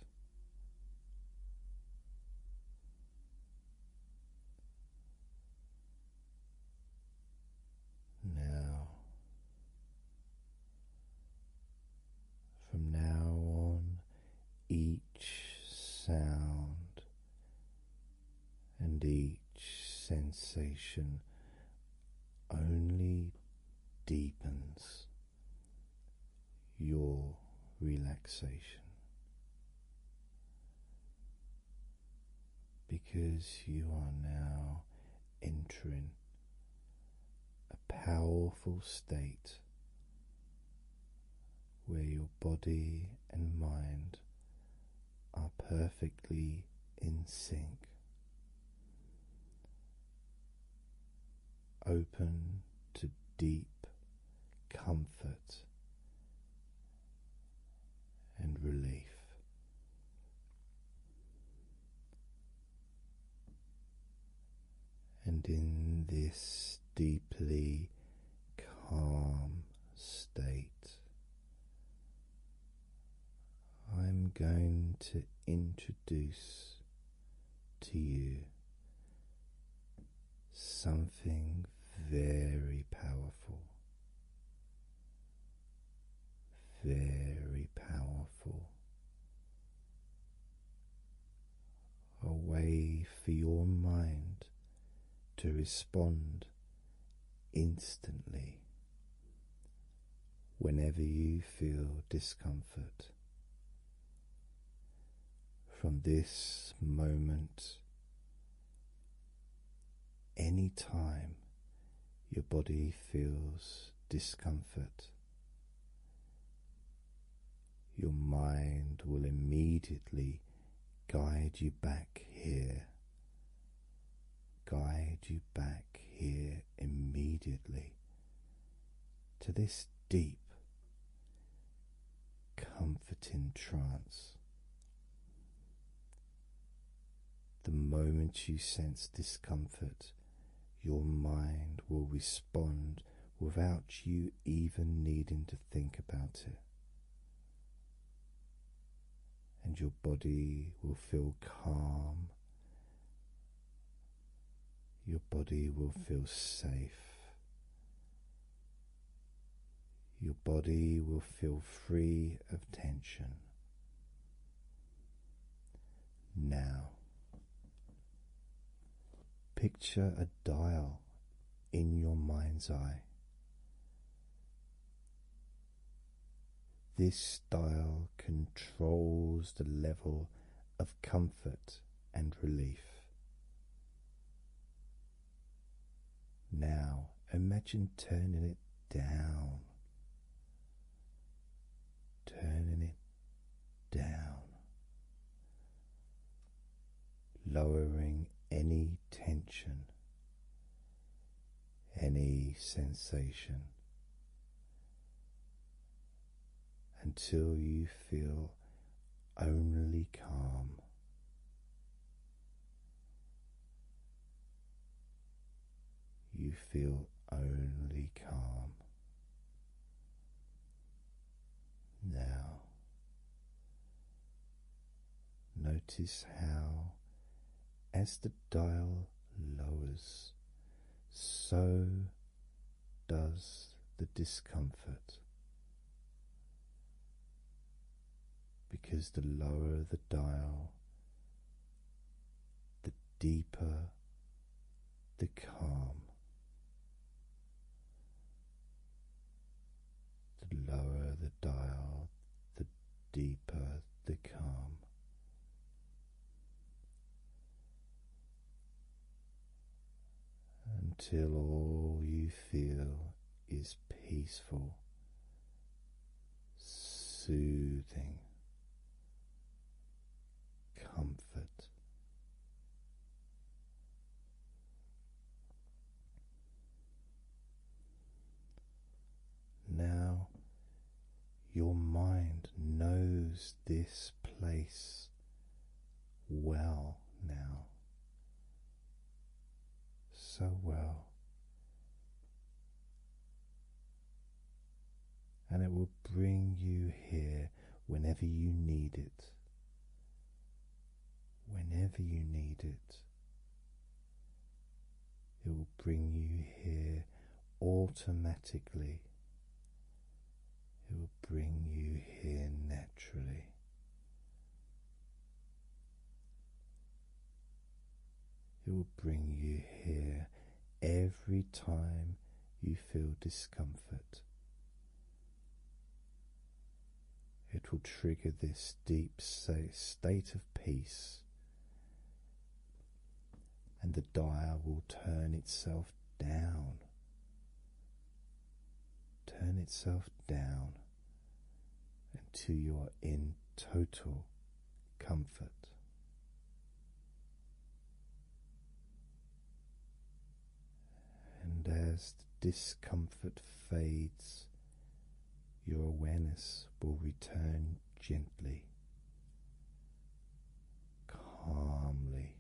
Now from now on, each sound and each sensation only deepens your relaxation. Because you are now entering a powerful state where your body and mind are perfectly in sync. Open to deep comfort and relief. And in this deeply calm state, I'm going to introduce to you something very powerful. Very powerful a way for your mind to respond instantly whenever you feel discomfort. From this moment, any time your body feels discomfort, your mind will immediately guide you back here, guide you back here immediately to this deep, comforting trance. The moment you sense discomfort, your mind will respond without you even needing to think about it. And your body will feel calm. Your body will feel safe. Your body will feel free of tension. Now, Picture a dial in your mind's eye. This dial controls the level of comfort and relief. Now imagine turning it down, turning it down, lowering any tension, any sensation until you feel only calm. You feel only calm. Now, notice how, as the dial lowers, so does the discomfort. Because the lower the dial, the deeper the calm, the lower the dial, the deeper the calm. Until all you feel is peaceful, soothing, comfort. Now your mind knows this place well now, so well, and it will bring you here whenever you need it whenever you need it. It will bring you here automatically. It will bring you here naturally. It will bring you here every time you feel discomfort. It will trigger this deep state of peace, and the dial will turn itself down. Turn itself down until you are in total comfort. And as the discomfort fades, your awareness will return gently, calmly,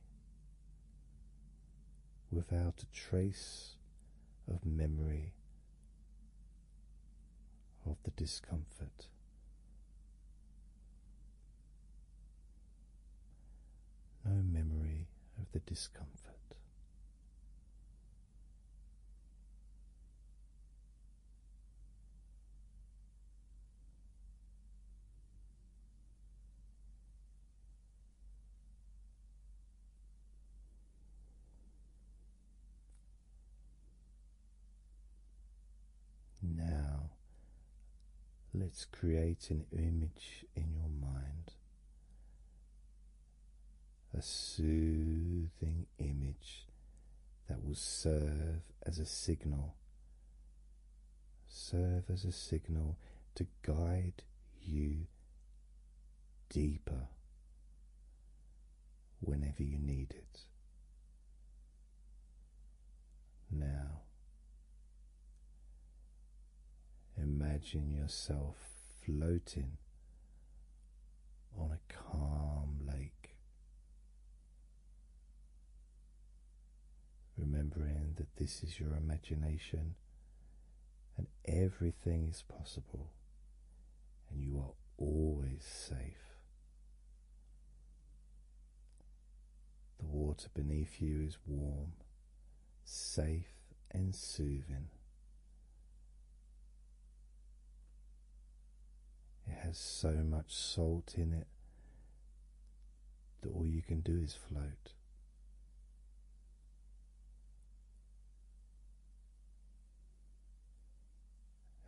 without a trace of memory of the discomfort no memory of the discomfort. Now Let's create an image in your mind, a soothing image that will serve as a signal, serve as a signal to guide you deeper whenever you need it. Now, Imagine yourself floating on a calm lake, remembering that this is your imagination and everything is possible, and you are always safe. The water beneath you is warm safe and soothing. It has so much salt in it that all you can do is float.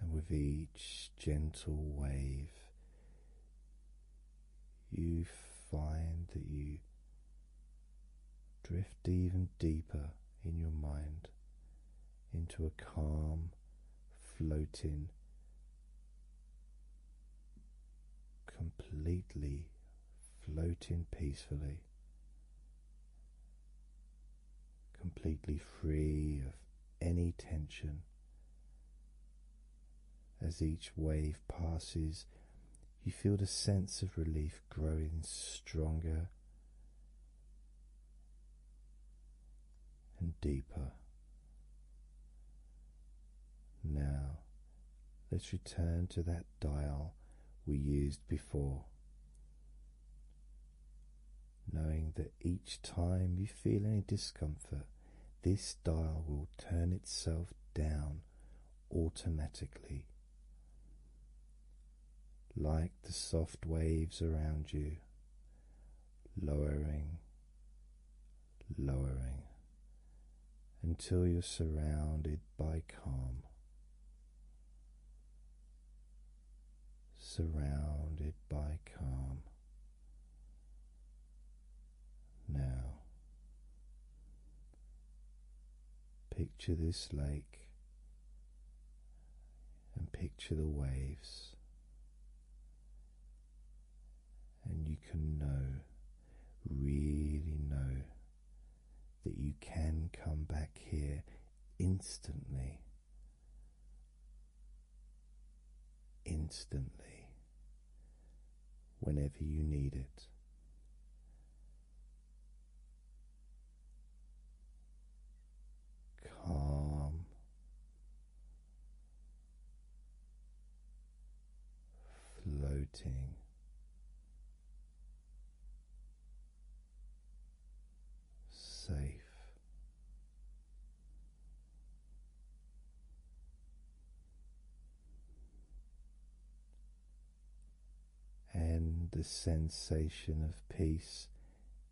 And with each gentle wave, you find that you drift even deeper in your mind into a calm, floating, completely floating peacefully. Completely free of any tension, as each wave passes, you feel the sense of relief growing stronger and deeper. Now, let's return to that dial we used before. Knowing that each time you feel any discomfort, this dial will turn itself down automatically, like the soft waves around you, lowering, lowering until you're surrounded by calm. Surrounded by calm, now, picture this lake and picture the waves, and you can know, really know, that you can come back here instantly. Instantly, whenever you need it. Calm, floating, safe and the sensation of peace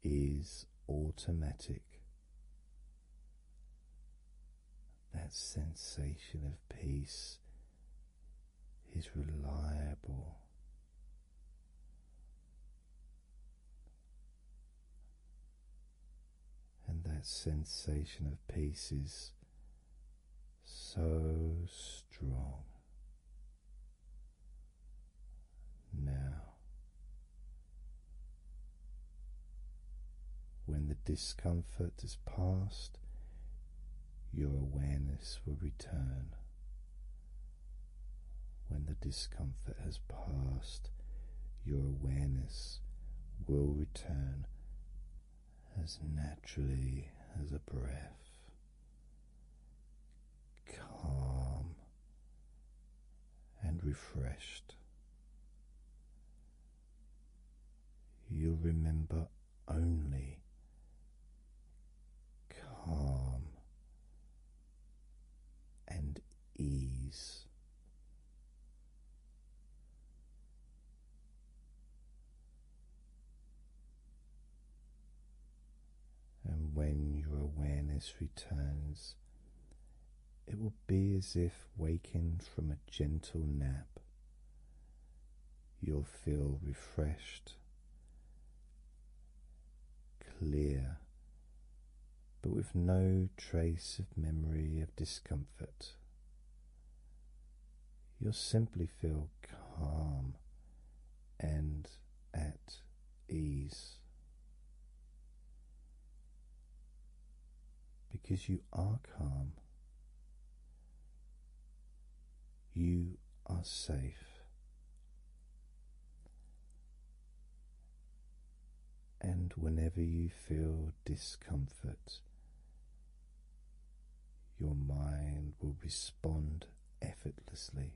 is automatic. That sensation of peace is reliable. And that sensation of peace is so strong. Now, when the discomfort has passed, your awareness will return. When the discomfort has passed, your awareness will return as naturally as a breath, calm and refreshed. You'll remember only calm and ease. And when your awareness returns, it will be as if waking from a gentle nap. You'll feel refreshed, clear, but with no trace of memory of discomfort you'll simply feel calm and at ease because you are calm. You are safe. And whenever you feel discomfort, your mind will respond effortlessly,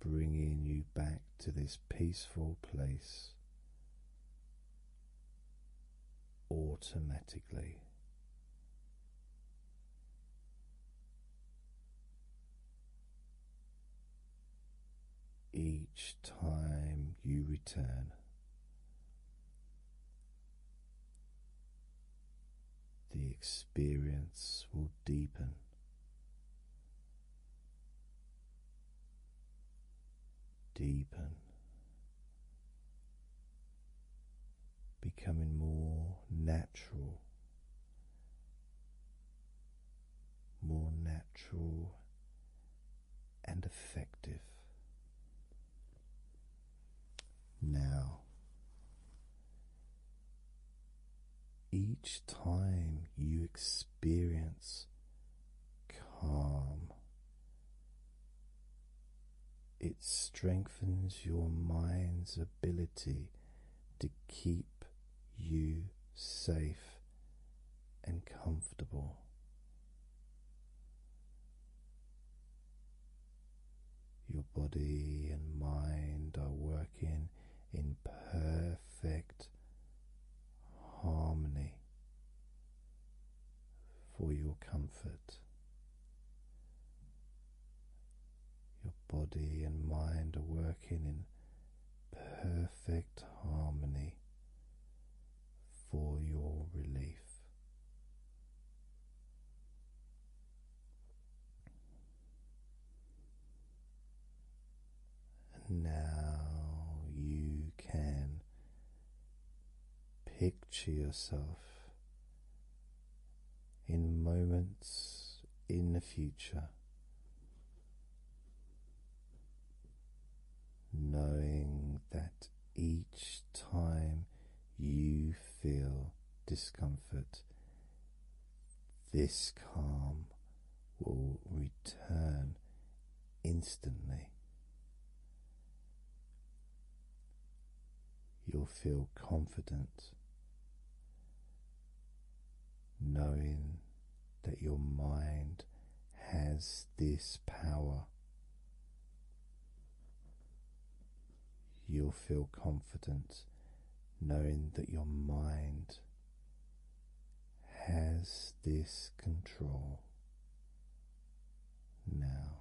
bringing you back to this peaceful place automatically. Each time you return, the experience will deepen. Deepen, becoming more natural, more natural and effective. Now, each time you experience calm, it strengthens your mind's ability to keep you safe and comfortable. Your body and mind are working in perfect harmony for your comfort. Your body and mind are working in perfect harmony for your relief. now you can picture yourself in moments in the future knowing that each time you feel discomfort, this calm will return instantly. You'll feel confident knowing that your mind has this power You'll feel confident knowing that your mind has this control now.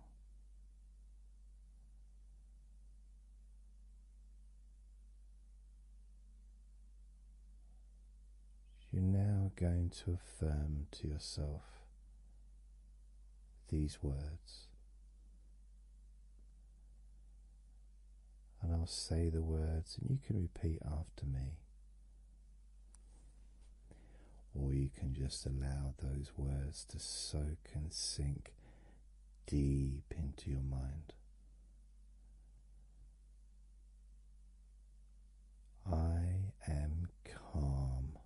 You're now going to affirm to yourself these words. And I'll say the words, and you can repeat after me. Or you can just allow those words to soak and sink deep into your mind. I am calm.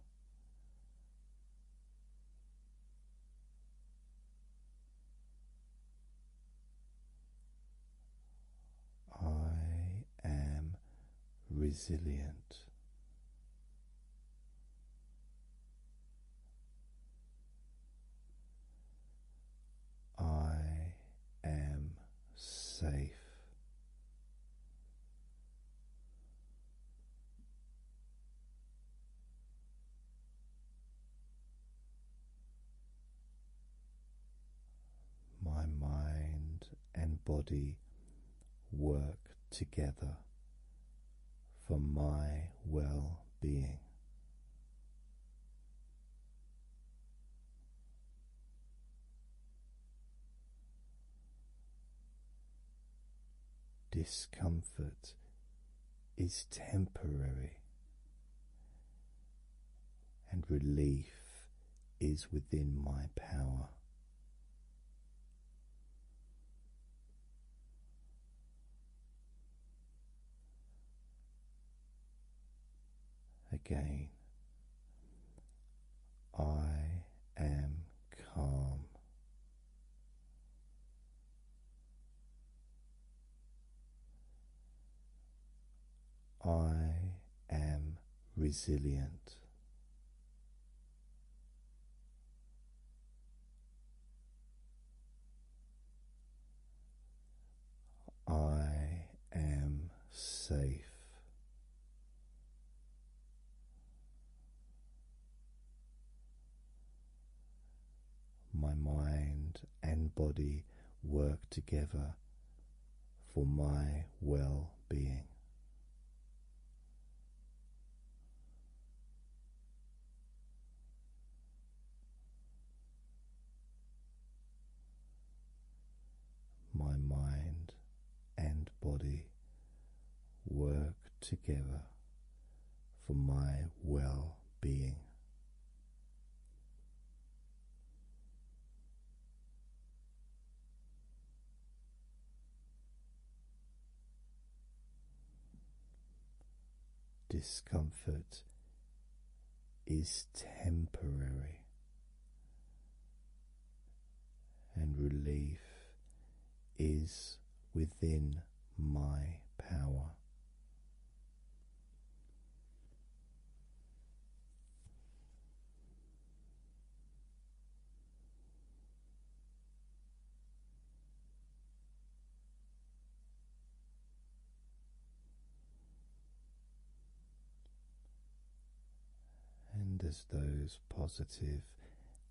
I am resilient. I am safe. My mind and body work together for my well being. Discomfort is temporary, and relief is within my power. Again, I am calm. I am resilient. I am safe. My mind and body work together for my well being. My mind and body work together for my well being. Discomfort is temporary, and relief is within my power. And as those positive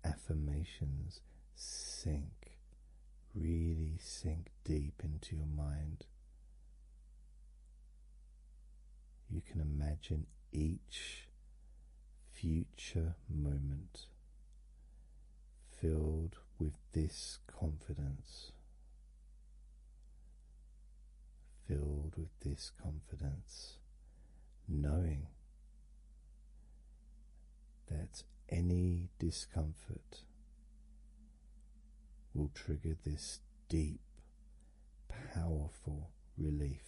affirmations sink, really sink deep into your mind, you can imagine each future moment filled with this confidence. Filled with this confidence knowing that any discomfort will trigger this deep, powerful relief.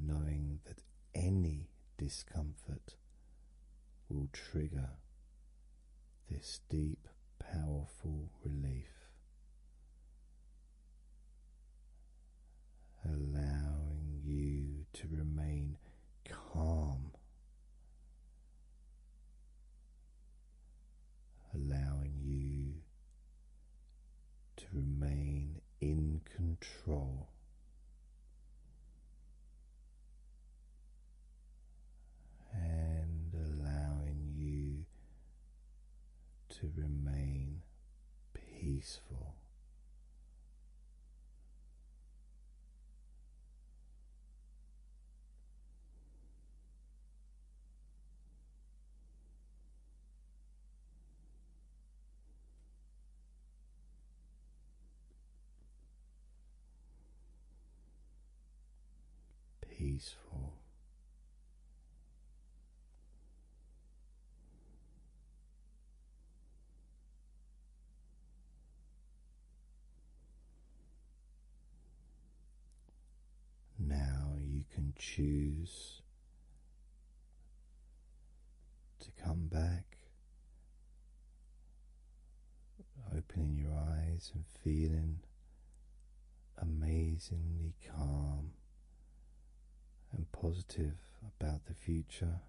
Knowing that any discomfort will trigger this deep, powerful relief allowing you to remain calm, allowing you to remain in control. And allowing you to remain peaceful. Peaceful now you can choose to come back, opening your eyes and feeling amazingly calm and positive about the future,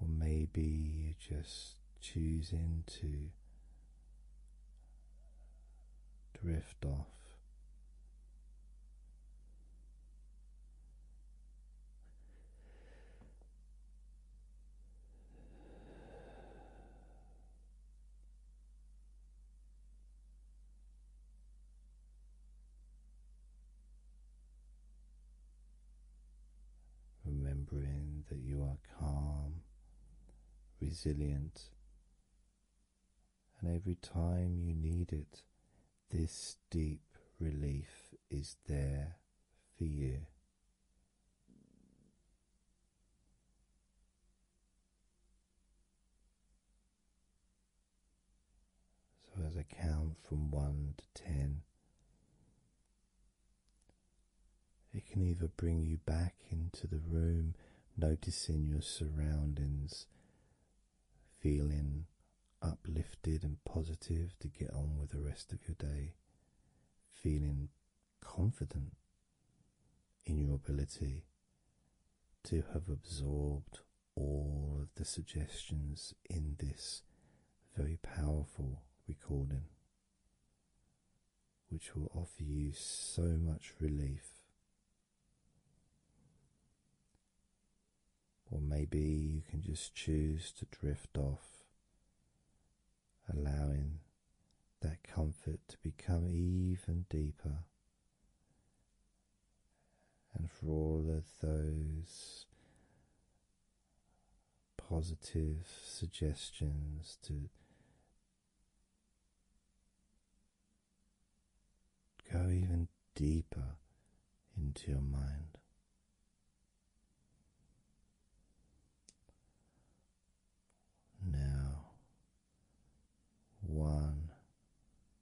or maybe you're just choosing to drift off. Remembering that you are calm, resilient, and every time you need it, this deep relief is there for you. So, as I count from one to ten, it can either bring you back into the room, noticing your surroundings, feeling uplifted and positive to get on with the rest of your day, feeling confident in your ability to have absorbed all of the suggestions in this very powerful recording, which will offer you so much relief. Or maybe you can just choose to drift off, allowing that comfort to become even deeper and for all of those positive suggestions to go even deeper into your mind. Now, one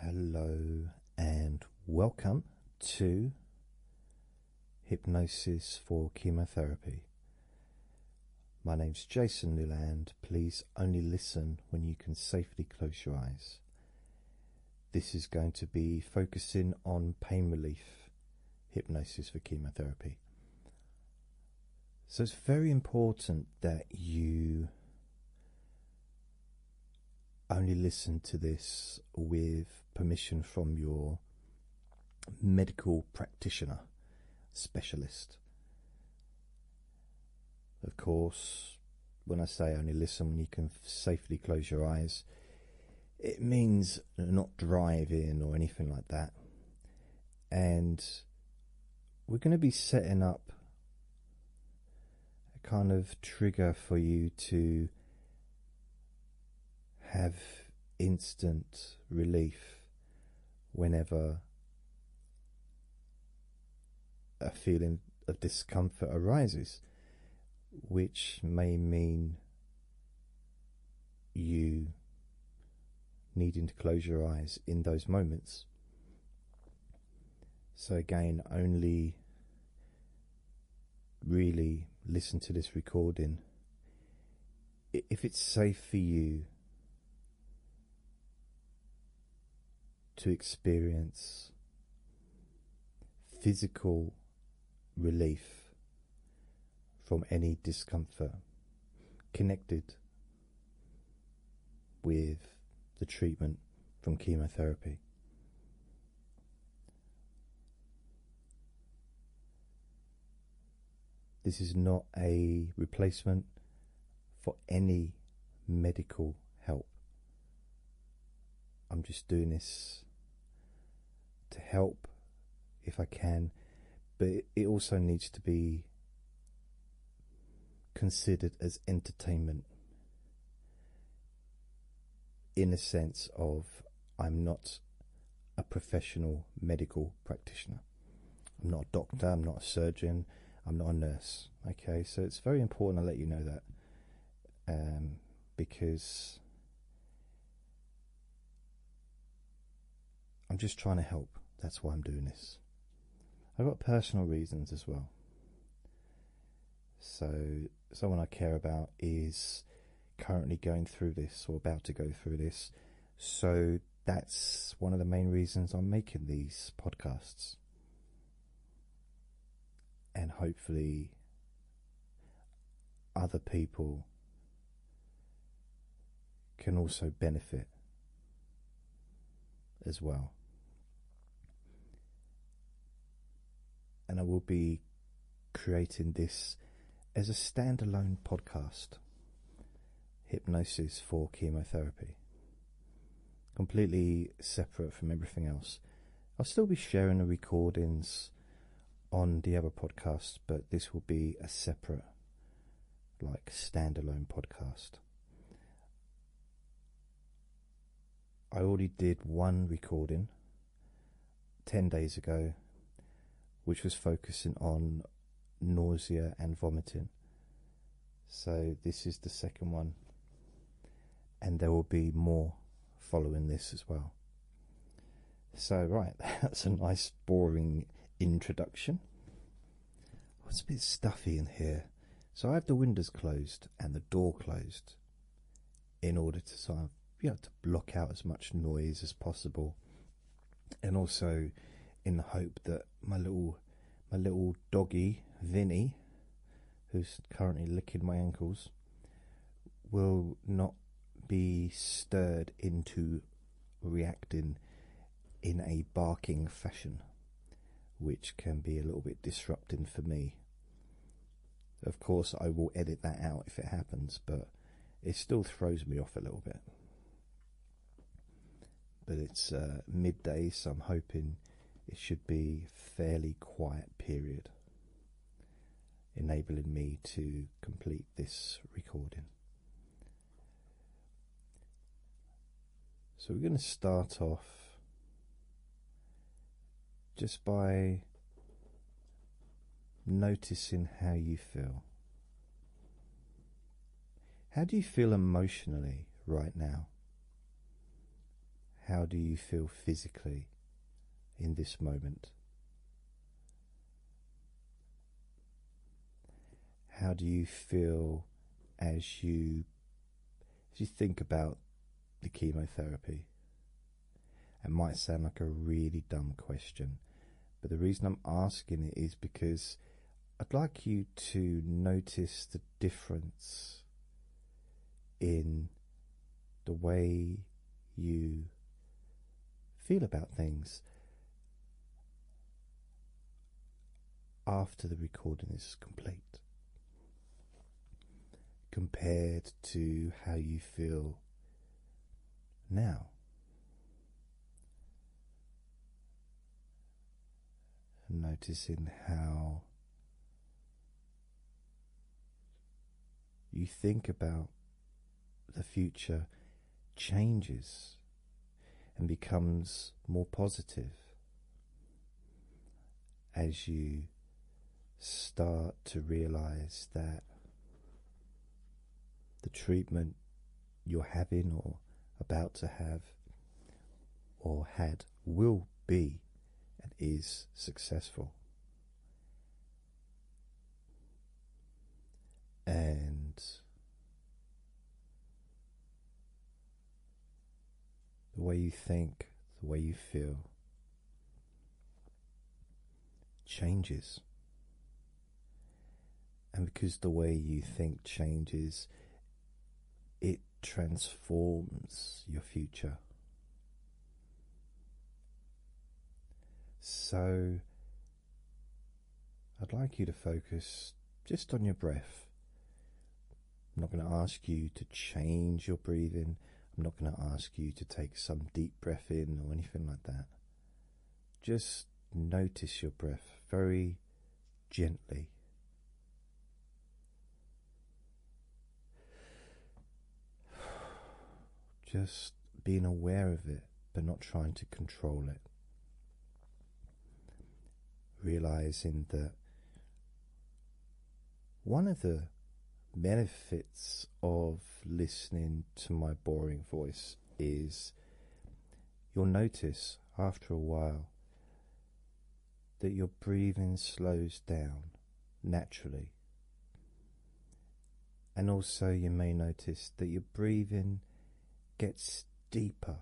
Hello and welcome to Hypnosis for Chemotherapy. My name is Jason Newland. Please only listen when you can safely close your eyes. This is going to be focusing on pain relief hypnosis for chemotherapy. So it's very important that you only listen to this with permission from your medical practitioner specialist. Of course, when I say only listen, you can safely close your eyes. It means not driving or anything like that. And we're going to be setting up a kind of trigger for you to have instant relief whenever a feeling of discomfort arises, which may mean you needing to close your eyes in those moments. So, again, only really listen to this recording if it's safe for you to experience physical relief from any discomfort connected with the treatment from chemotherapy. This is not a replacement for any medical help. I'm just doing this to help if I can, but it also needs to be considered as entertainment in a sense of I'm not a professional medical practitioner. I'm not a doctor, I'm not a surgeon, I'm not a nurse. Okay, so it's very important I let you know that um, because I'm just trying to help. That's why I'm doing this. I've got personal reasons as well. So, someone I care about is currently going through this or about to go through this. So, that's one of the main reasons I'm making these podcasts. And hopefully, other people can also benefit as well. And I will be creating this as a standalone podcast Hypnosis for Chemotherapy. Completely separate from everything else. I'll still be sharing the recordings on the other podcast, but this will be a separate, like, standalone podcast. I already did one recording 10 days ago, which was focusing on nausea and vomiting. So, this is the second one, and there will be more following this as well. So, right, that's a nice, boring introduction. it's a bit stuffy in here. So, I have the windows closed and the door closed in order to sort of, you know, to block out as much noise as possible and also in the hope that my little my little doggy Vinny who's currently licking my ankles will not be stirred into reacting in a barking fashion which can be a little bit disrupting for me. Of course, I will edit that out if it happens, but it still throws me off a little bit. But it's uh, midday, so I'm hoping it should be fairly quiet period, enabling me to complete this recording. So we're going to start off just by noticing how you feel. How do you feel emotionally right now? How do you feel physically in this moment? How do you feel as you if you think about the chemotherapy, it might sound like a really dumb question, but the reason I'm asking it is because I'd like you to notice the difference in the way you feel about things after the recording is complete compared to how you feel now. Noticing how you think about the future changes and becomes more positive as you start to realize that the treatment you're having or about to have or had will be and is successful. And the way you think, the way you feel changes. And because the way you think changes, it transforms your future. So, I'd like you to focus just on your breath. I'm not going to ask you to change your breathing. I'm not going to ask you to take some deep breath in or anything like that. Just notice your breath very gently. Just being aware of it, but not trying to control it. Realizing that one of the benefits of listening to my boring voice is you'll notice after a while that your breathing slows down naturally. And also, you may notice that your breathing gets deeper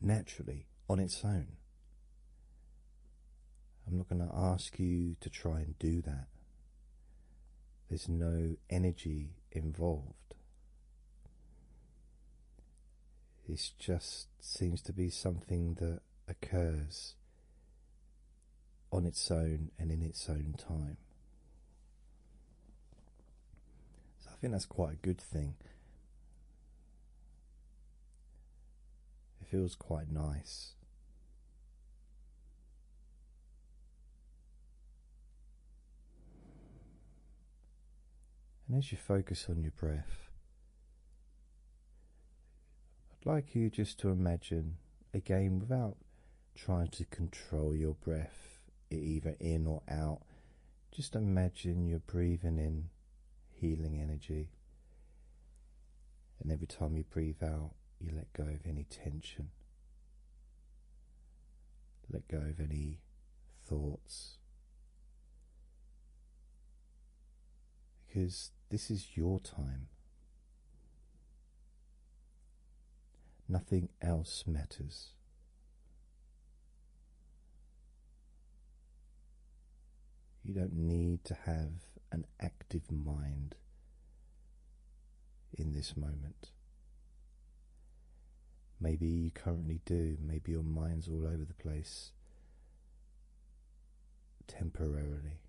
naturally on its own. I'm not going to ask you to try and do that. There's no energy involved. It just seems to be something that occurs on its own and in its own time. So I think that's quite a good thing. It feels quite nice. And as you focus on your breath, I'd like you just to imagine again without trying to control your breath either in or out. Just imagine you're breathing in healing energy. And every time you breathe out, you let go of any tension, let go of any thoughts. Because this is your time. Nothing else matters. You don't need to have an active mind in this moment. Maybe you currently do, maybe your mind's all over the place temporarily.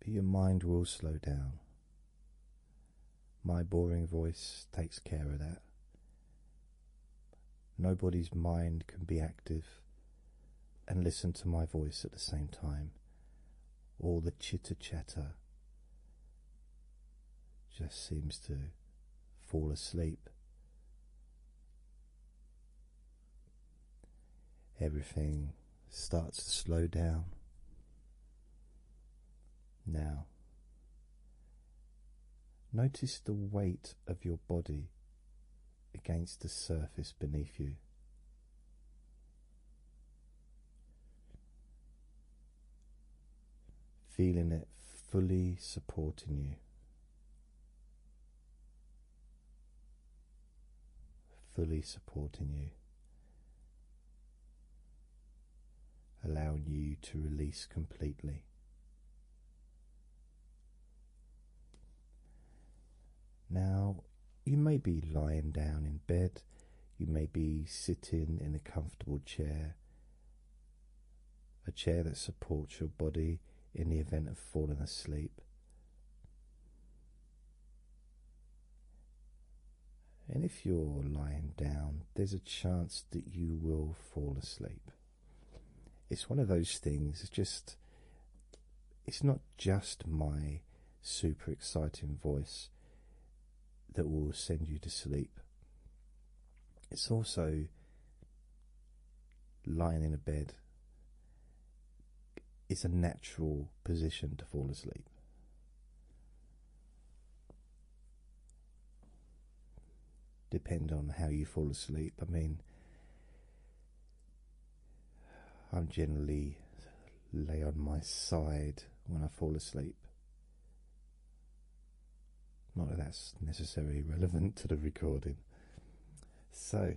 But your mind will slow down. My boring voice takes care of that. Nobody's mind can be active and listen to my voice at the same time. All the chitter chatter just seems to fall asleep. Everything starts to slow down. Now Notice the weight of your body against the surface beneath you. Feeling it fully supporting you, fully supporting you, allowing you to release completely. Now, you may be lying down in bed, you may be sitting in a comfortable chair, a chair that supports your body in the event of falling asleep. And if you're lying down, there's a chance that you will fall asleep. It's one of those things, it's just, it's not just my super exciting voice that will send you to sleep. It's also lying in a bed, it's a natural position to fall asleep depend on how you fall asleep. I mean, I'm generally lay on my side when I fall asleep. Not that that's necessarily relevant to the recording. So,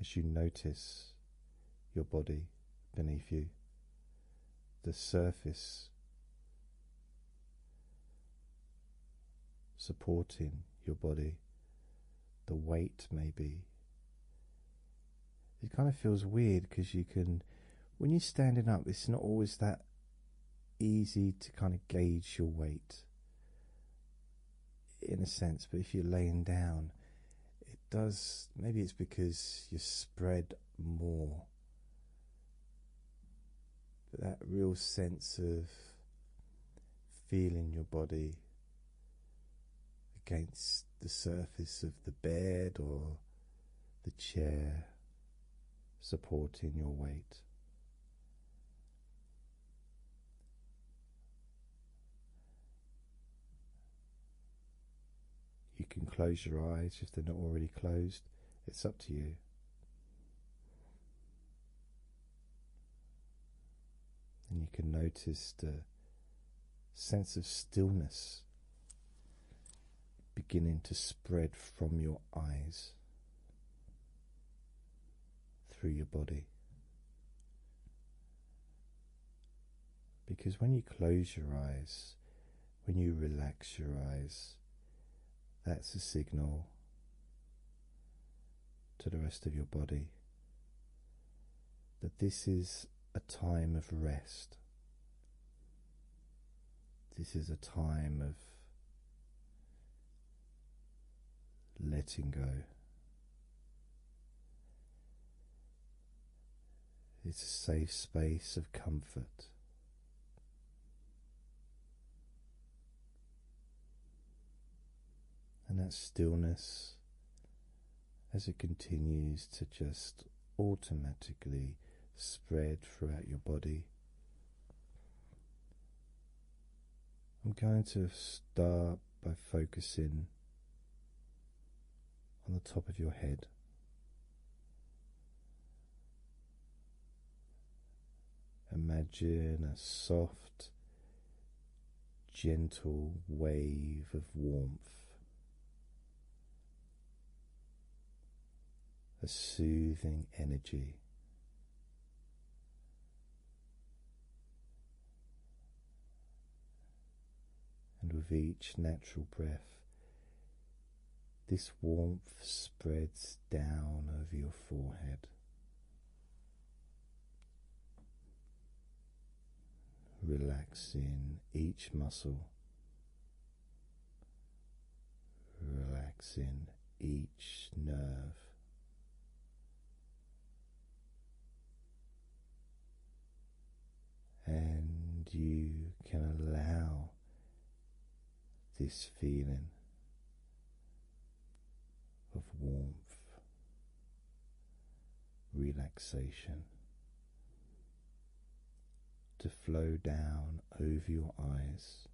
as you notice your body beneath you, the surface supporting your body, the weight maybe. It kind of feels weird because you can, when you're standing up, it's not always that easy to kind of gauge your weight in a sense, but if you're laying down, it does maybe it's because you spread more that real sense of feeling your body against the surface of the bed or the chair supporting your weight you can close your eyes if they're not already closed, it's up to you. And you can notice a sense of stillness beginning to spread from your eyes through your body. Because when you close your eyes, when you relax your eyes, that's a signal to the rest of your body that this is a time of rest. This is a time of letting go. It's a safe space of comfort. And that stillness, as it continues to just automatically spread throughout your body, I'm going to start by focusing on the top of your head. Imagine a soft, gentle wave of warmth, a soothing energy. And with each natural breath, this warmth spreads down over your forehead. Relaxing each muscle, relaxing each nerve and you can allow this feeling of warmth, relaxation to flow down over your eyes.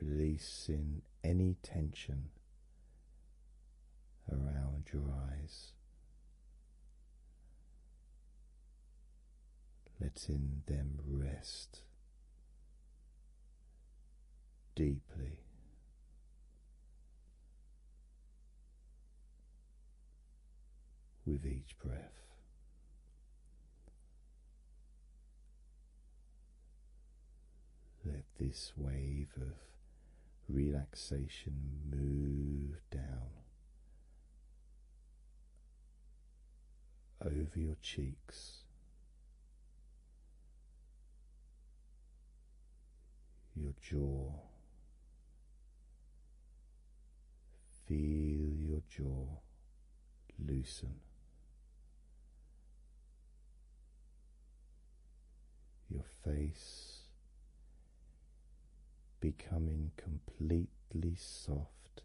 Releasing any tension around your eyes. Letting them rest deeply. With each breath, this wave of relaxation move down over your cheeks, your jaw. Feel your jaw loosen your face becoming completely soft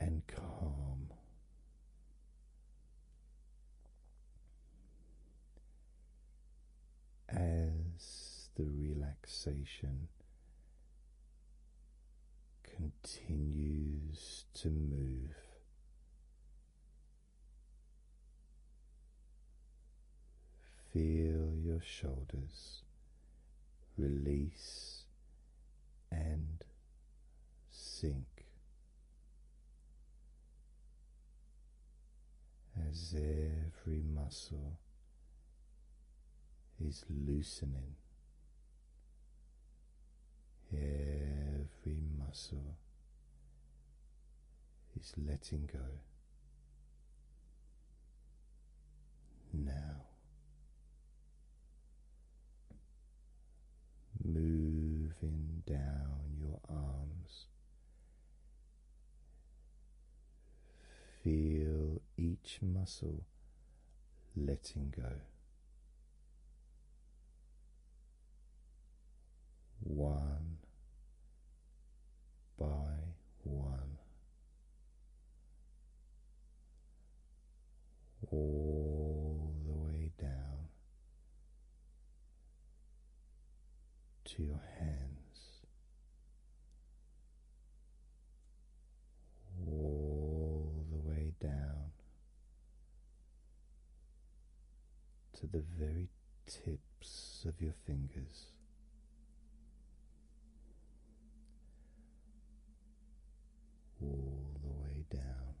and calm. As the relaxation continues to move Feel your shoulders release and sink as every muscle is loosening, every muscle is letting go now. Moving down your arms, feel each muscle letting go one by one, all the way down to your hands, all the way down to the very tips of your fingers. All the way down.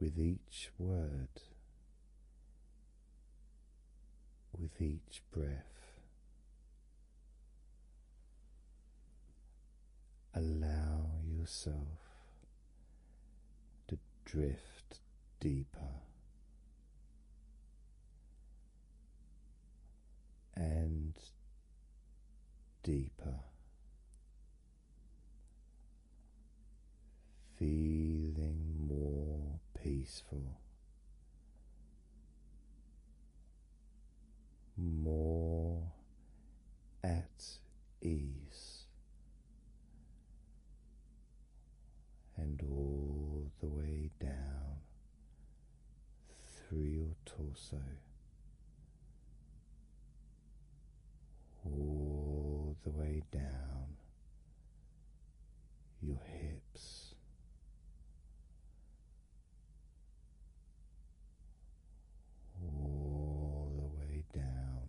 With each word, with each breath, allow yourself to drift deeper and deeper. Feeling more peaceful, more at ease, and all the way down through your torso, all the way down your hips. All the way down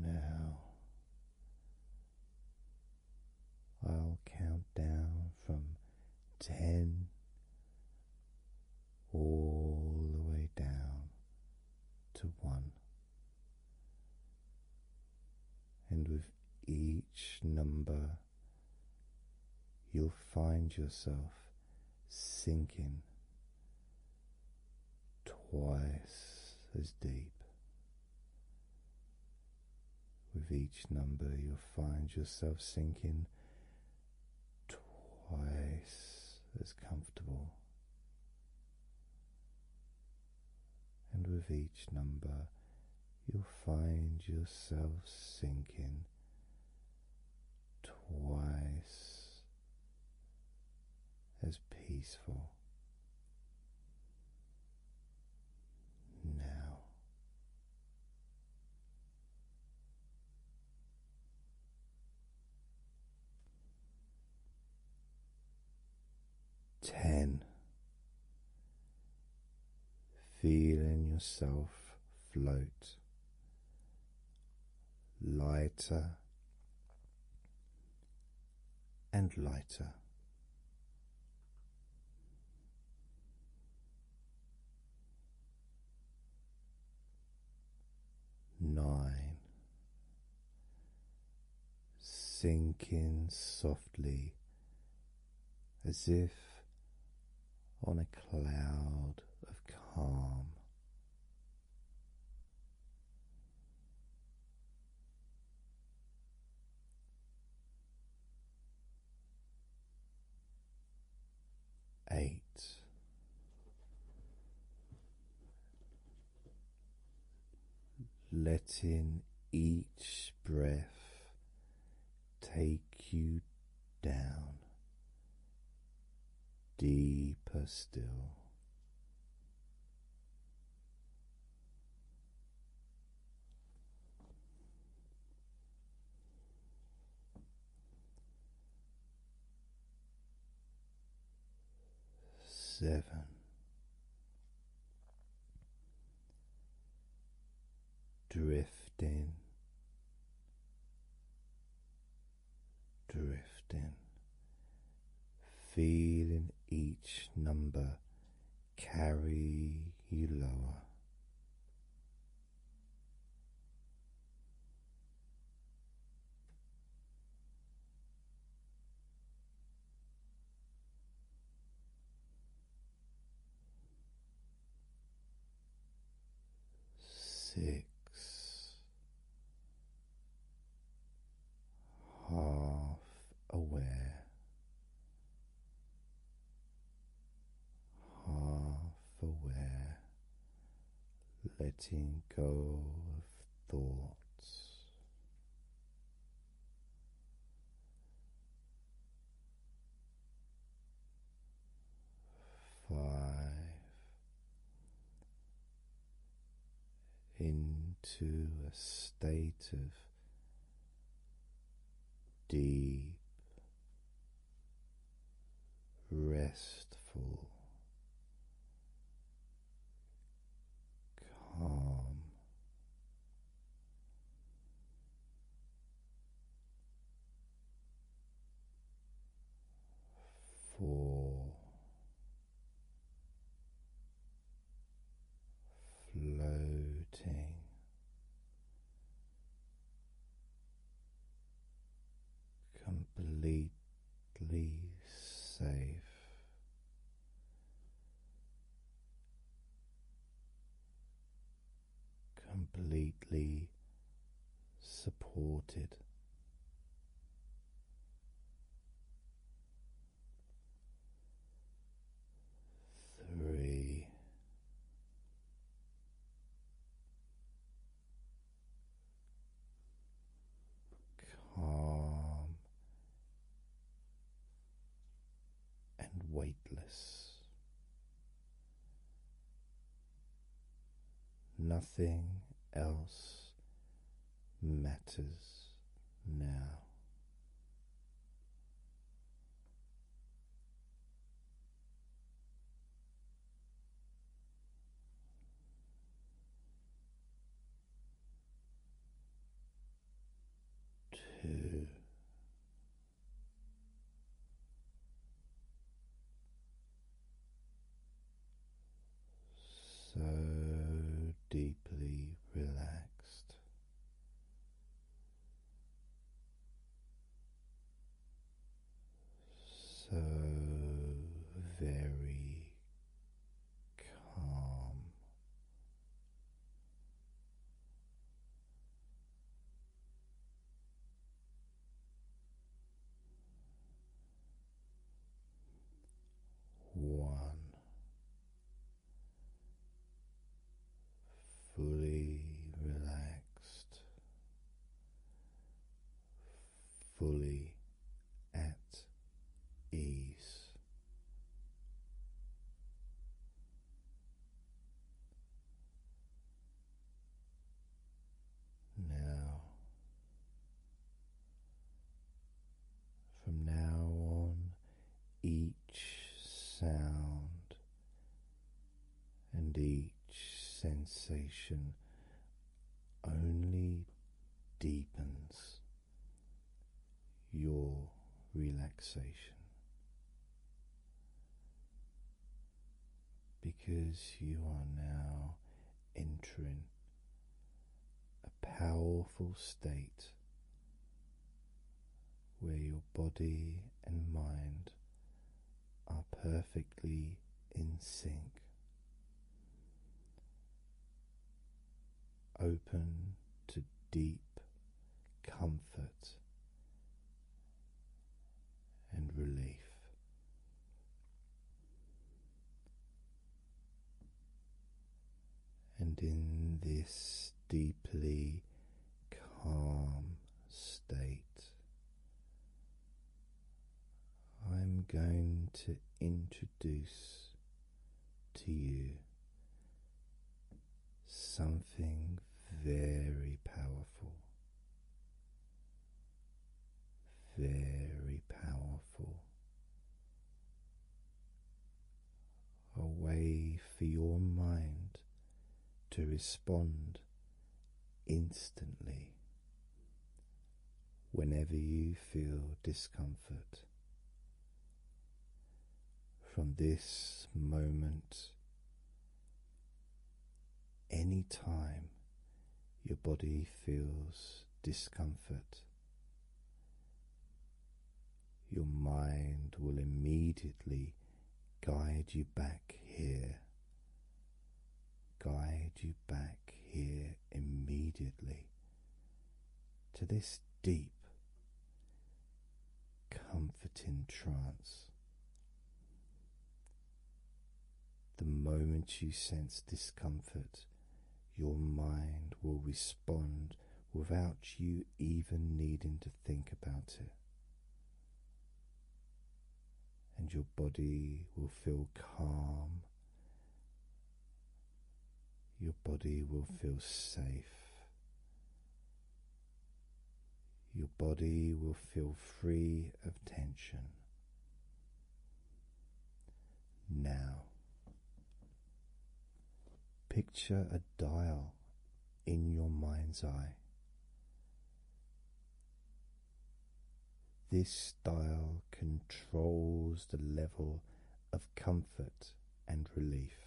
Now I'll count down from ten all the way down to one, and with each number you'll find yourself sinking twice as deep. With each number, you'll find yourself sinking twice as comfortable. And with each number, you'll find yourself sinking twice as peaceful now. Ten feeling yourself float lighter and lighter. Nine, sinking softly as if on a cloud of calm. Eight. Letting each breath take you down deeper still. Seven, drifting, drifting, feeling each number carry you lower six, half aware, half aware, letting go of thoughts five into a state of deep restful calm Four floating completely safe completely supported. Three. Calm and weightless. Nothing else matters now. Two. So deeply relaxed. So very calm, one fully relaxed, fully at ease. Now, from now on, each sound and each sensation only deepens your relaxation because you are now entering a powerful state where your body and mind are perfectly in sync. Open to deep comfort and relief. And in this deeply calm state, I'm going to introduce to you something very powerful very powerful. A way for your mind to respond instantly whenever you feel discomfort. From this moment any time your body feels discomfort, your mind will immediately guide you back here, guide you back here immediately to this deep, comforting trance. The moment you sense discomfort, your mind will respond without you even needing to think about it. And your body will feel calm. Your body will feel safe. Your body will feel free of tension. Now, picture a dial in your mind's eye. This dial controls the level of comfort and relief.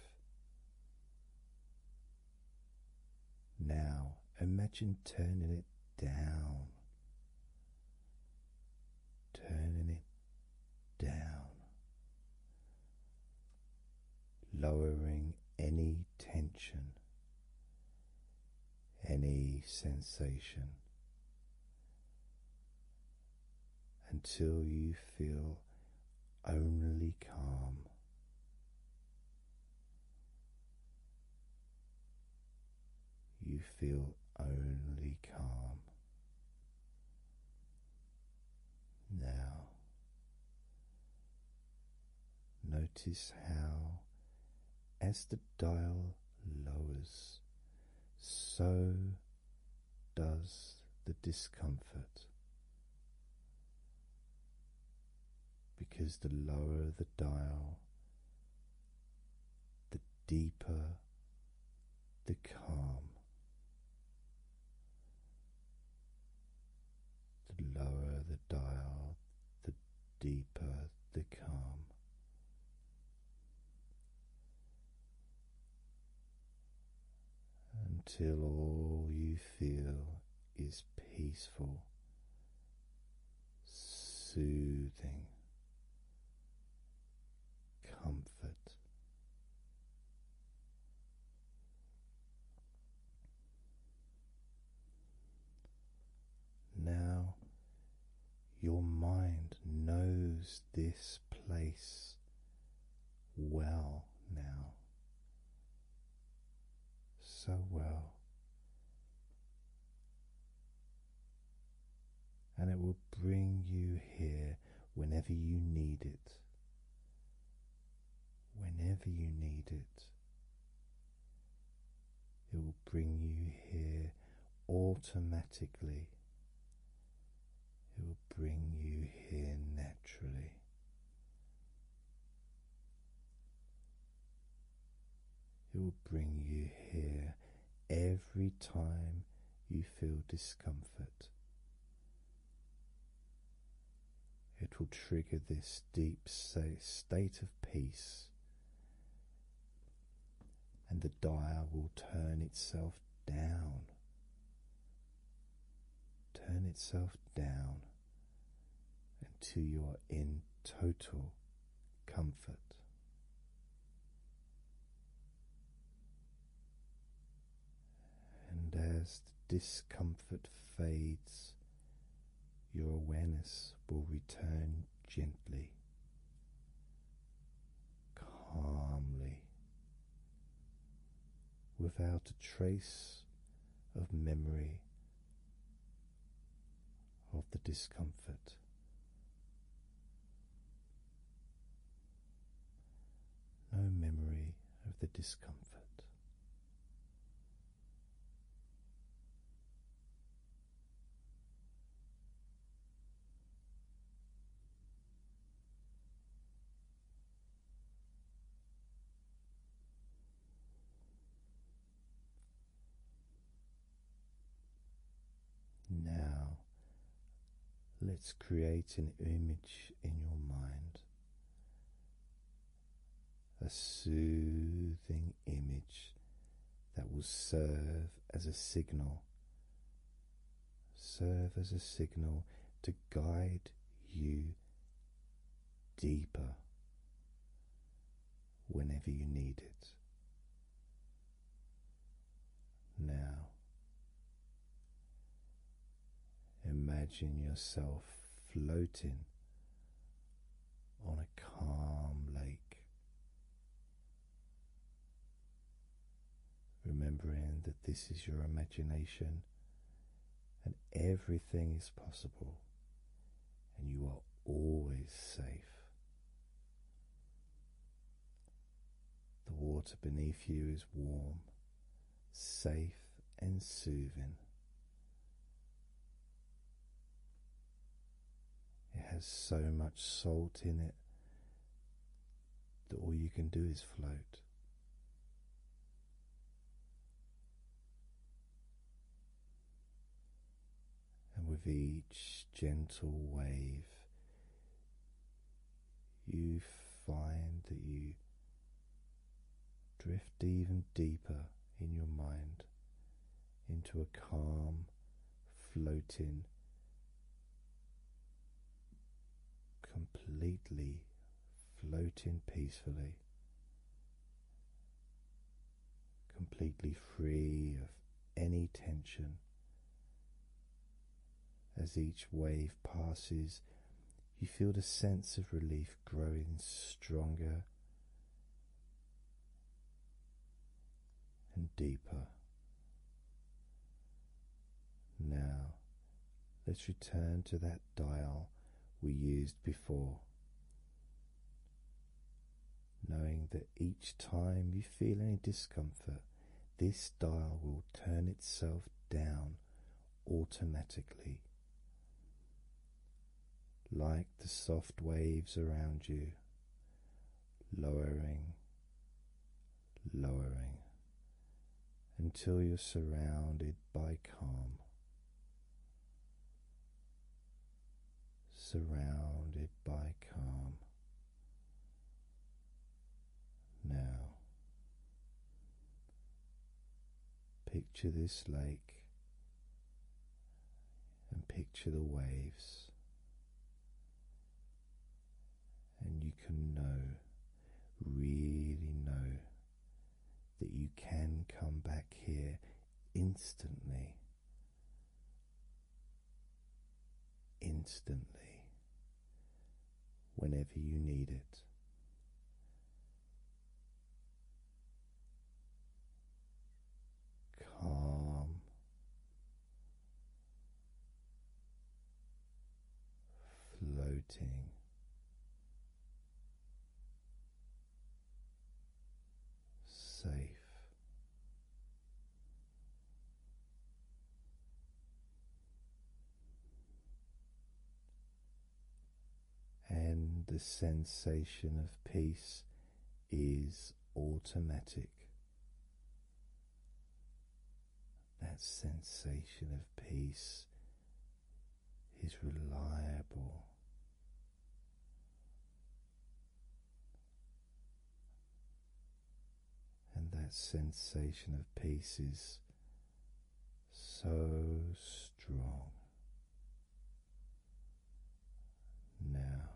Now imagine turning it down, turning it down, lowering any tension, any sensation until you feel only calm. You feel only calm. Now, notice how, as the dial lowers, so does the discomfort because the lower the dial, the deeper the calm. The lower the dial, the deeper the calm. Until all you feel is peaceful soothing comfort. Now your mind knows this place well now, so well and it will bring you here whenever you need it. Whenever you need it, it will bring you here automatically. It will bring you here naturally. It will bring you here every time you feel discomfort. It will trigger this deep state of peace, and the dial will turn itself down. Turn itself down until you are in total comfort. And as the discomfort fades, your awareness will return gently, calmly, without a trace of memory of the discomfort. No memory of the discomfort. Now, let's create an image in your mind, a soothing image that will serve as a signal, serve as a signal to guide you deeper whenever you need it. Now, imagine yourself floating on a calm lake, remembering that this is your imagination and everything is possible, and you are always safe. The water beneath you is warm, safe, and soothing. It has so much salt in it that all you can do is float. And with each gentle wave, you find that you drift even deeper in your mind into a calm, floating, completely floating peacefully completely free of any tension. As each wave passes, you feel the sense of relief growing stronger and deeper. Now, let's return to that dial we used before knowing that each time you feel any discomfort, this dial will turn itself down automatically. Like the soft waves around you, lowering, lowering until you're surrounded by calm surrounded by calm. Now, picture this lake and picture the waves, and you can know, really know, that you can come back here instantly instantly whenever you need it. Calm, floating safe. And the sensation of peace is automatic. That sensation of peace is reliable. And that sensation of peace is so strong. Now,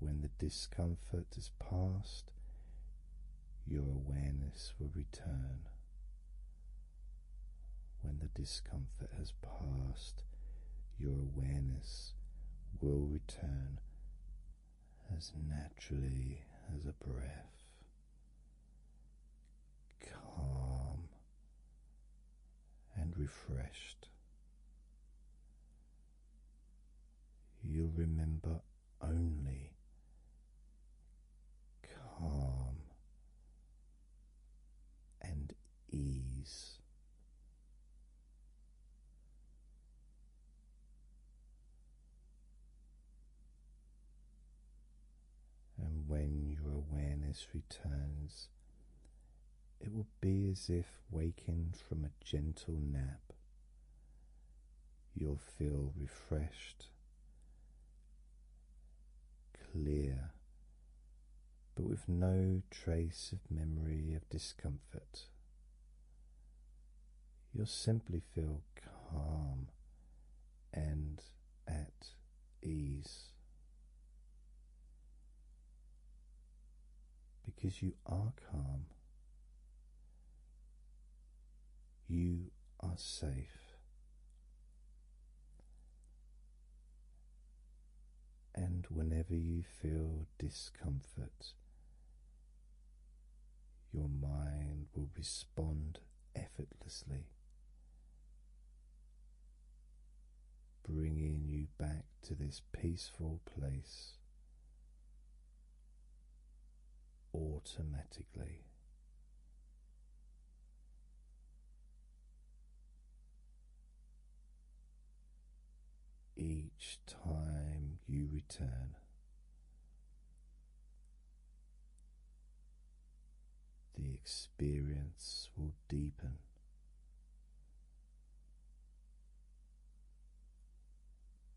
when the discomfort is past, your awareness will return when the discomfort has passed, your awareness will return as naturally as a breath. Calm and refreshed. You'll remember only calm and ease. And when your awareness returns, it will be as if waking from a gentle nap. You'll feel refreshed, clear, but with no trace of memory of discomfort. You'll simply feel calm and at ease because you are calm, you are safe and whenever you feel discomfort, your mind will respond effortlessly, bringing you back to this peaceful place automatically. Each time you return, the experience will deepen.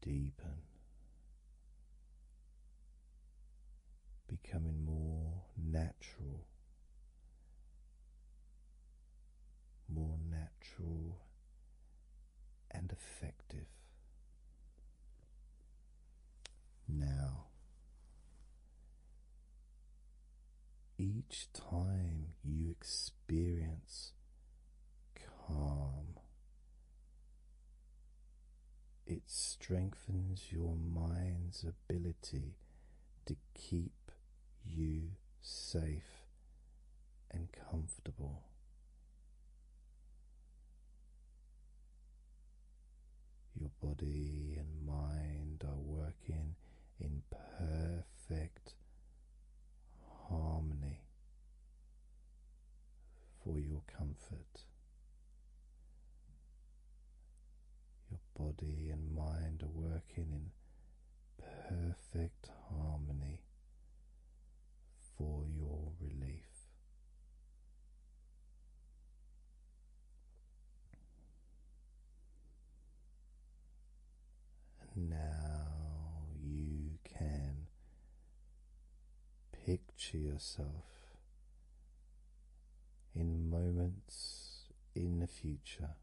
Deepen, becoming more natural more natural and effective. Now, each time you experience calm, it strengthens your mind's ability to keep you safe and comfortable. Your body and mind are working in perfect harmony for your comfort. Your body and mind are working in perfect harmony for your relief. And now you can picture yourself in moments in the future,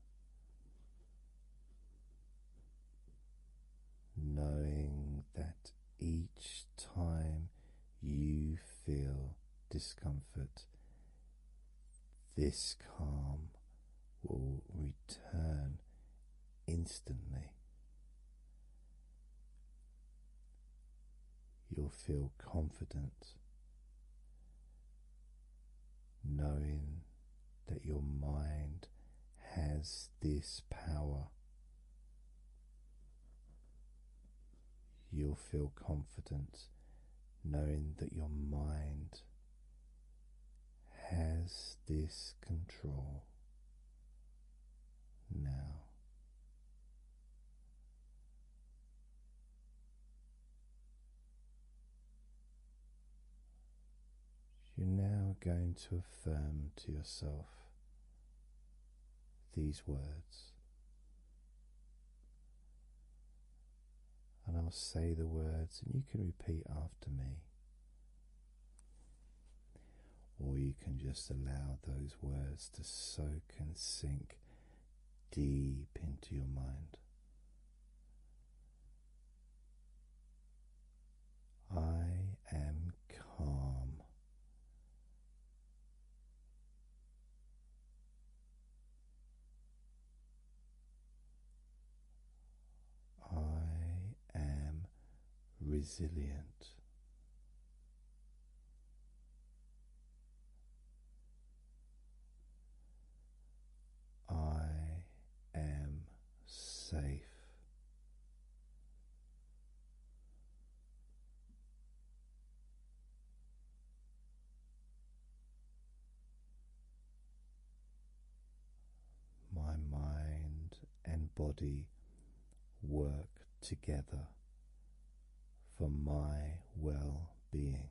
knowing that each time you feel discomfort, this calm will return instantly. You'll feel confident knowing that your mind has this power. You'll feel confident knowing that your mind has this control now. You're now going to affirm to yourself these words. And I'll say the words, and you can repeat after me. Or you can just allow those words to soak and sink deep into your mind. I am calm. I am resilient. I am safe. My mind and body work together for my well being.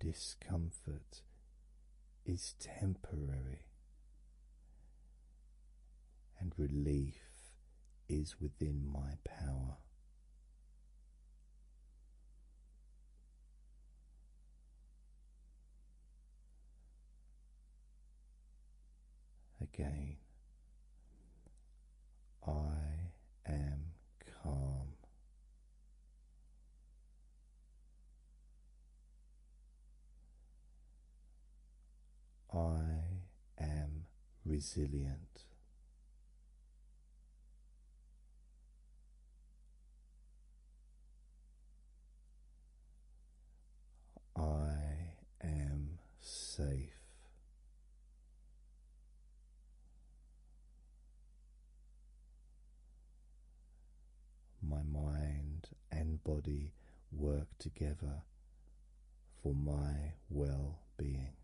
Discomfort is temporary, and relief is within my power. Again, I am calm. I am resilient. I am safe. My mind and body work together for my well being.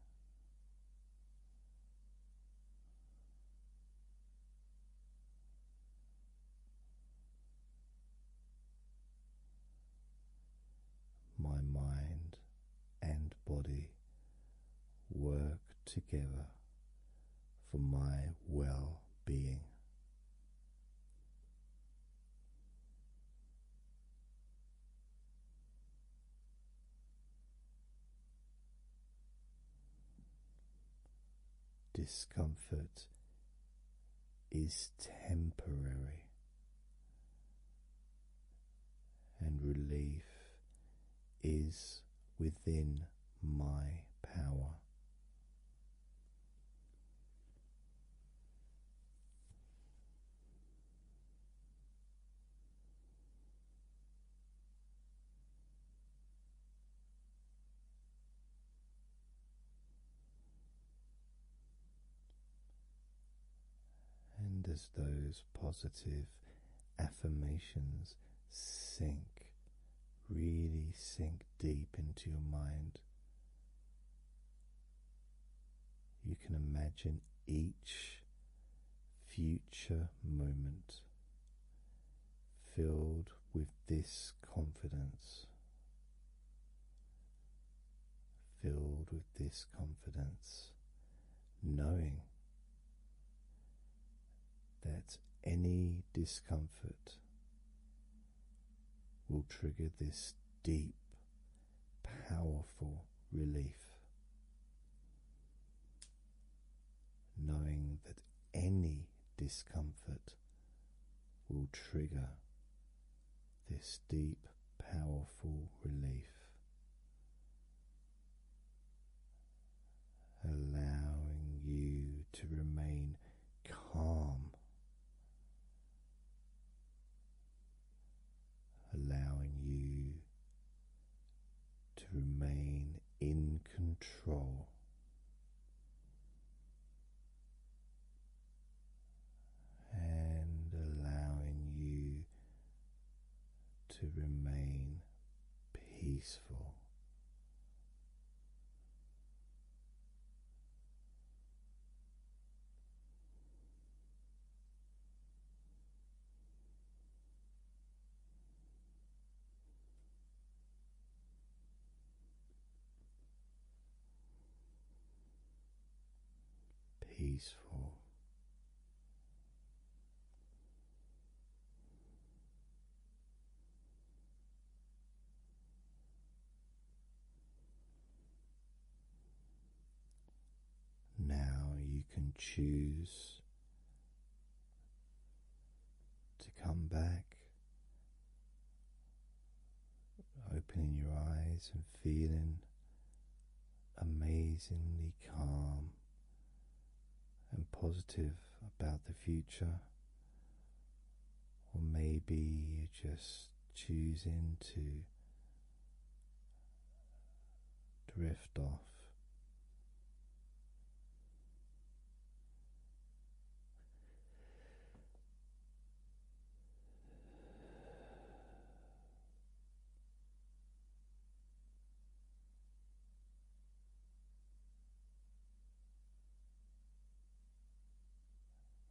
My mind and body work together for my well being. Discomfort is temporary, and relief is within my power. And as those positive affirmations sink, really sink deep into your mind, you can imagine each future moment filled with this confidence filled with this confidence, knowing that any discomfort will trigger this deep, powerful relief. Knowing that any discomfort will trigger this deep, powerful relief. Allowing you to remain calm, allowing you to remain in control and allowing you to remain peaceful peaceful. Now you can choose to come back Opening your eyes and feeling amazingly calm and positive about the future, or maybe you just choosing to drift off.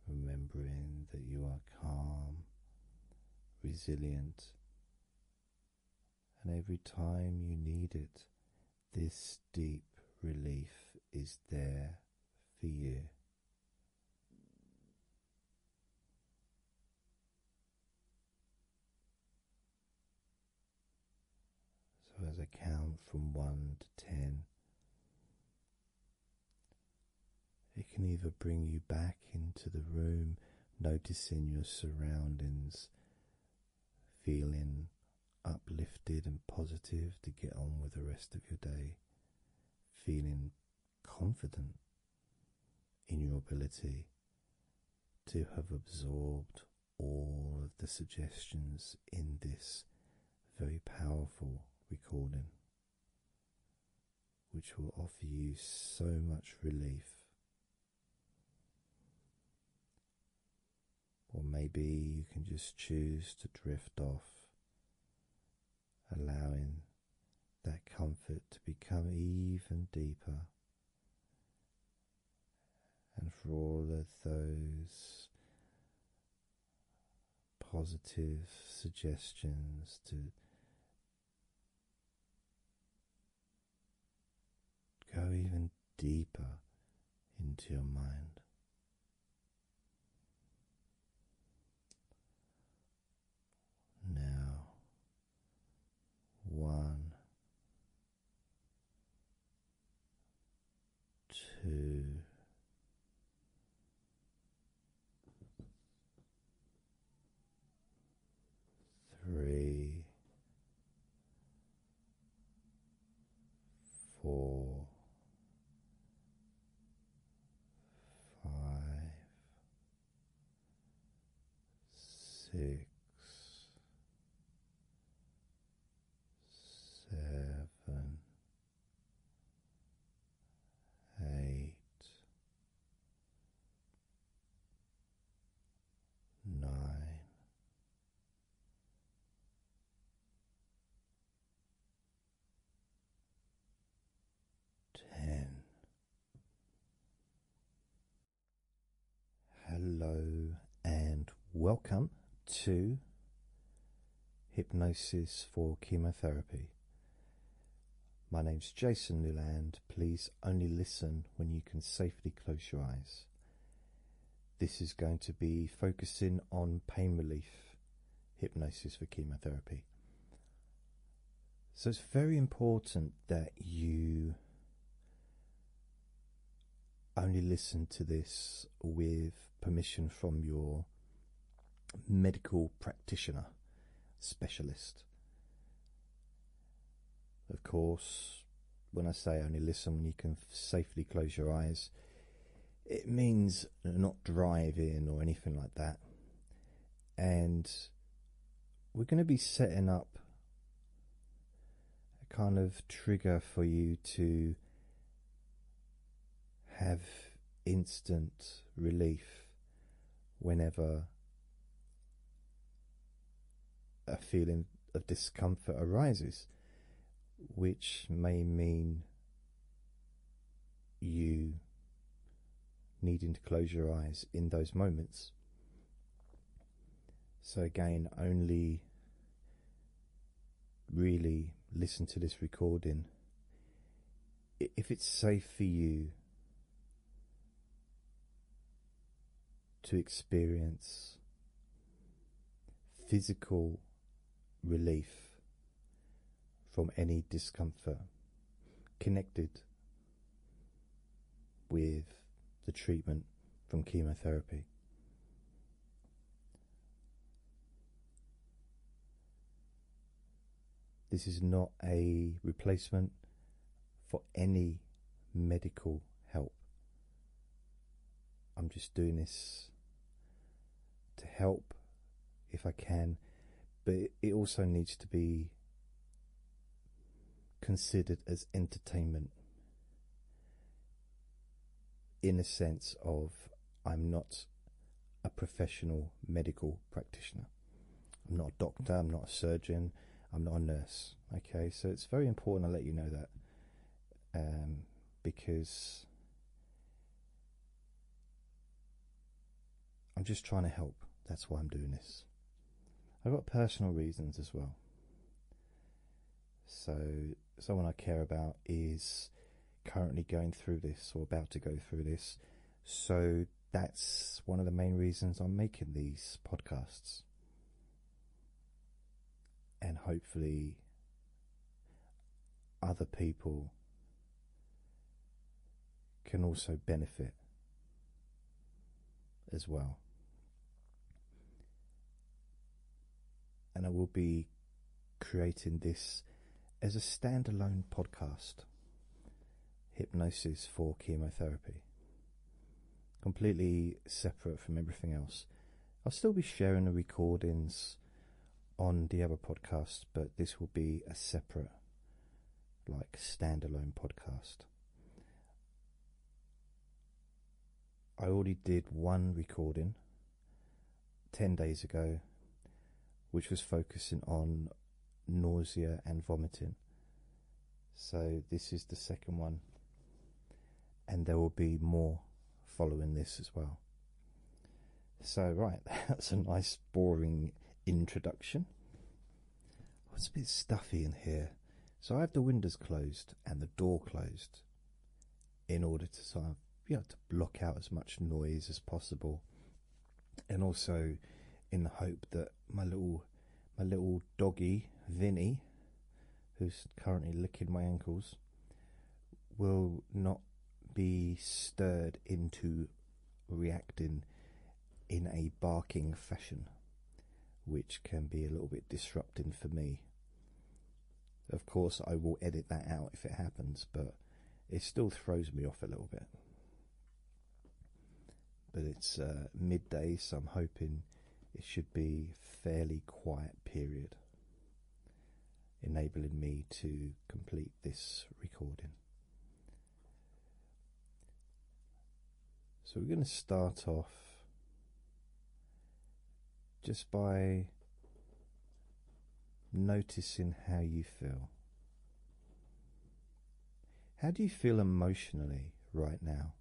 Remembering that you are calm, resilient, and every time you need it, this deep relief is there for you. So, as I count from one to ten, it can either bring you back into the room, noticing your surroundings, feeling uplifted and positive to get on with the rest of your day feeling confident in your ability to have absorbed all of the suggestions in this very powerful recording, which will offer you so much relief. Or maybe you can just choose to drift off allowing that comfort to become even deeper. And for all of those positive suggestions to go even deeper into your mind. Now, one, two, three, four five, six, seven, eight, nine ten. Hello and welcome to Hypnosis for Chemotherapy. My name is Jason Newland. Please only listen when you can safely close your eyes. This is going to be focusing on pain relief hypnosis for chemotherapy. So it's very important that you only listen to this with permission from your medical practitioner specialist. Of course, when I say only listen, you can safely close your eyes it means not driving or anything like that. And we're going to be setting up a kind of trigger for you to have instant relief whenever a feeling of discomfort arises, which may mean you needing to close your eyes in those moments. So, again, only really listen to this recording if it's safe for you to experience physical relief from any discomfort connected with the treatment from chemotherapy. This is not a replacement for any medical help. I'm just doing this to help if I can, but it also needs to be considered as entertainment in a sense of I'm not a professional medical practitioner. I'm not a doctor, I'm not a surgeon, I'm not a nurse. Okay, so it's very important I let you know that um, because I'm just trying to help. That's why I'm doing this. I've got personal reasons as well. So, someone I care about is currently going through this or about to go through this. So, that's one of the main reasons I'm making these podcasts. And hopefully, other people can also benefit as well. And I will be creating this as a standalone podcast Hypnosis for Chemotherapy. Completely separate from everything else. I'll still be sharing the recordings on the other podcast, but this will be a separate, like, standalone podcast. I already did one recording 10 days ago, which was focusing on nausea and vomiting. So, this is the second one, and there will be more following this as well. So, right, that's a nice, boring introduction. it's a bit stuffy in here. So, I have the windows closed and the door closed in order to sort of, you to block out as much noise as possible, and also in the hope that my little, my little doggy Vinny, who's currently licking my ankles, will not be stirred into reacting in a barking fashion, which can be a little bit disrupting for me. Of course, I will edit that out if it happens, but it still throws me off a little bit. But it's uh, midday, so I'm hoping it should be fairly quiet period, enabling me to complete this recording. So we're going to start off just by noticing how you feel. How do you feel emotionally right now?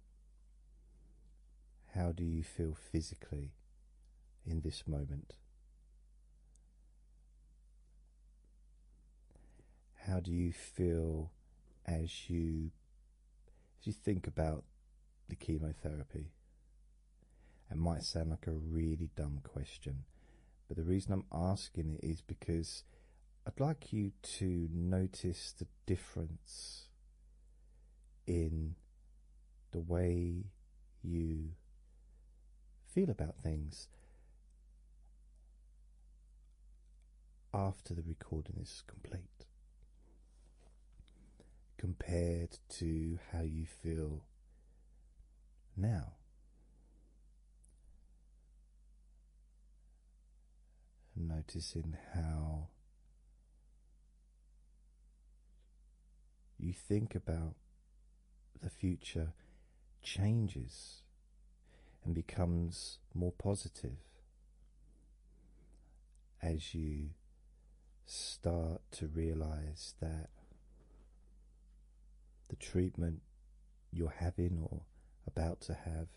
How do you feel physically in this moment? How do you feel as you as you think about the chemotherapy? It might sound like a really dumb question, but the reason I'm asking it is because I'd like you to notice the difference in the way you feel about things after the recording is complete compared to how you feel now. Noticing how you think about the future changes and becomes more positive as you start to realize that the treatment you're having or about to have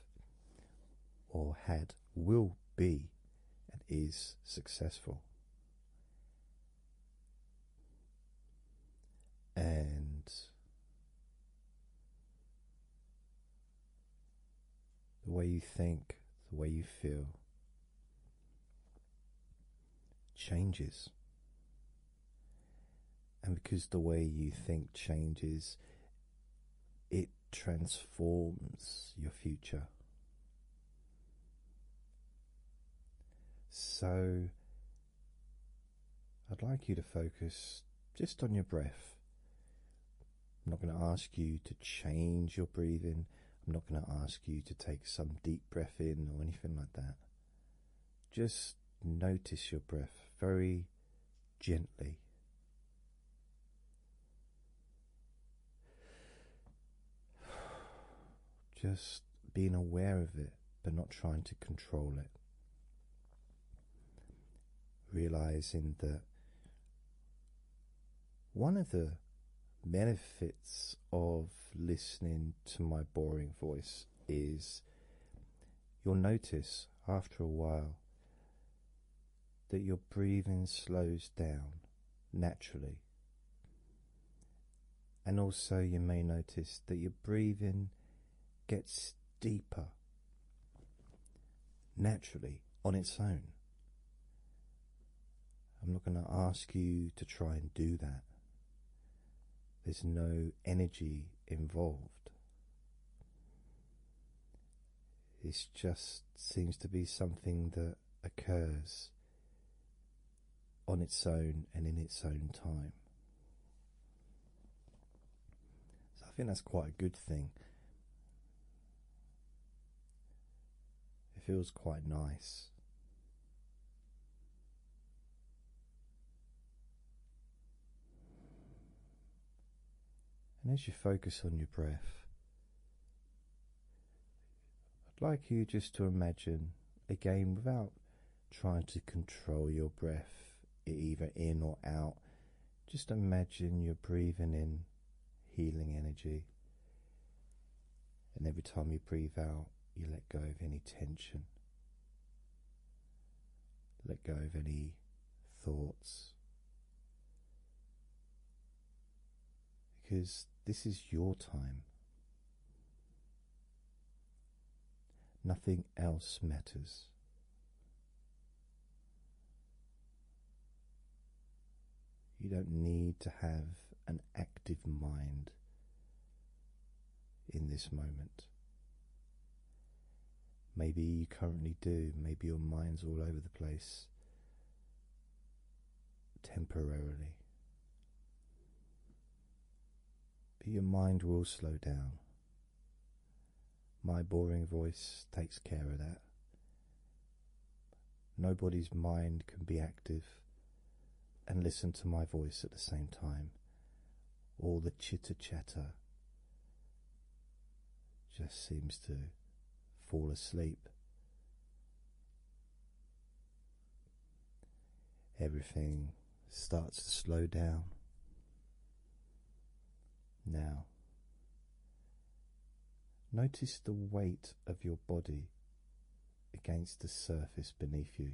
or had will be and is successful and the way you think, the way you feel changes. And because the way you think changes, it transforms your future. So I'd like you to focus just on your breath. I'm not going to ask you to change your breathing. I'm not going to ask you to take some deep breath in or anything like that. Just notice your breath very gently. Just being aware of it but not trying to control it. Realizing that one of the benefits of listening to my boring voice is you'll notice after a while that your breathing slows down naturally. And also, you may notice that your breathing gets deeper naturally on its own. I'm not going to ask you to try and do that. There's no energy involved. It just seems to be something that occurs on its own and in its own time. So I think that's quite a good thing. It feels quite nice. And as you focus on your breath, I'd like you just to imagine again without trying to control your breath, either in or out. Just imagine you're breathing in healing energy, and every time you breathe out, you let go of any tension, let go of any thoughts. Because this is your time. Nothing else matters. You don't need to have an active mind in this moment. Maybe you currently do, maybe your mind's all over the place temporarily. But your mind will slow down. My boring voice takes care of that. Nobody's mind can be active and listen to my voice at the same time. All the chitter chatter just seems to fall asleep. Everything starts to slow down. Now, notice the weight of your body against the surface beneath you.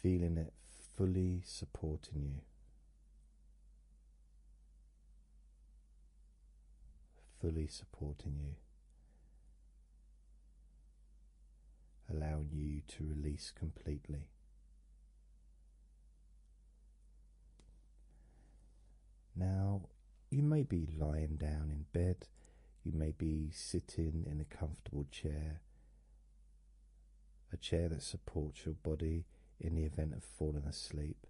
Feeling it fully supporting you fully supporting you, allowing you to release completely. Now, you may be lying down in bed, you may be sitting in a comfortable chair, a chair that supports your body in the event of falling asleep.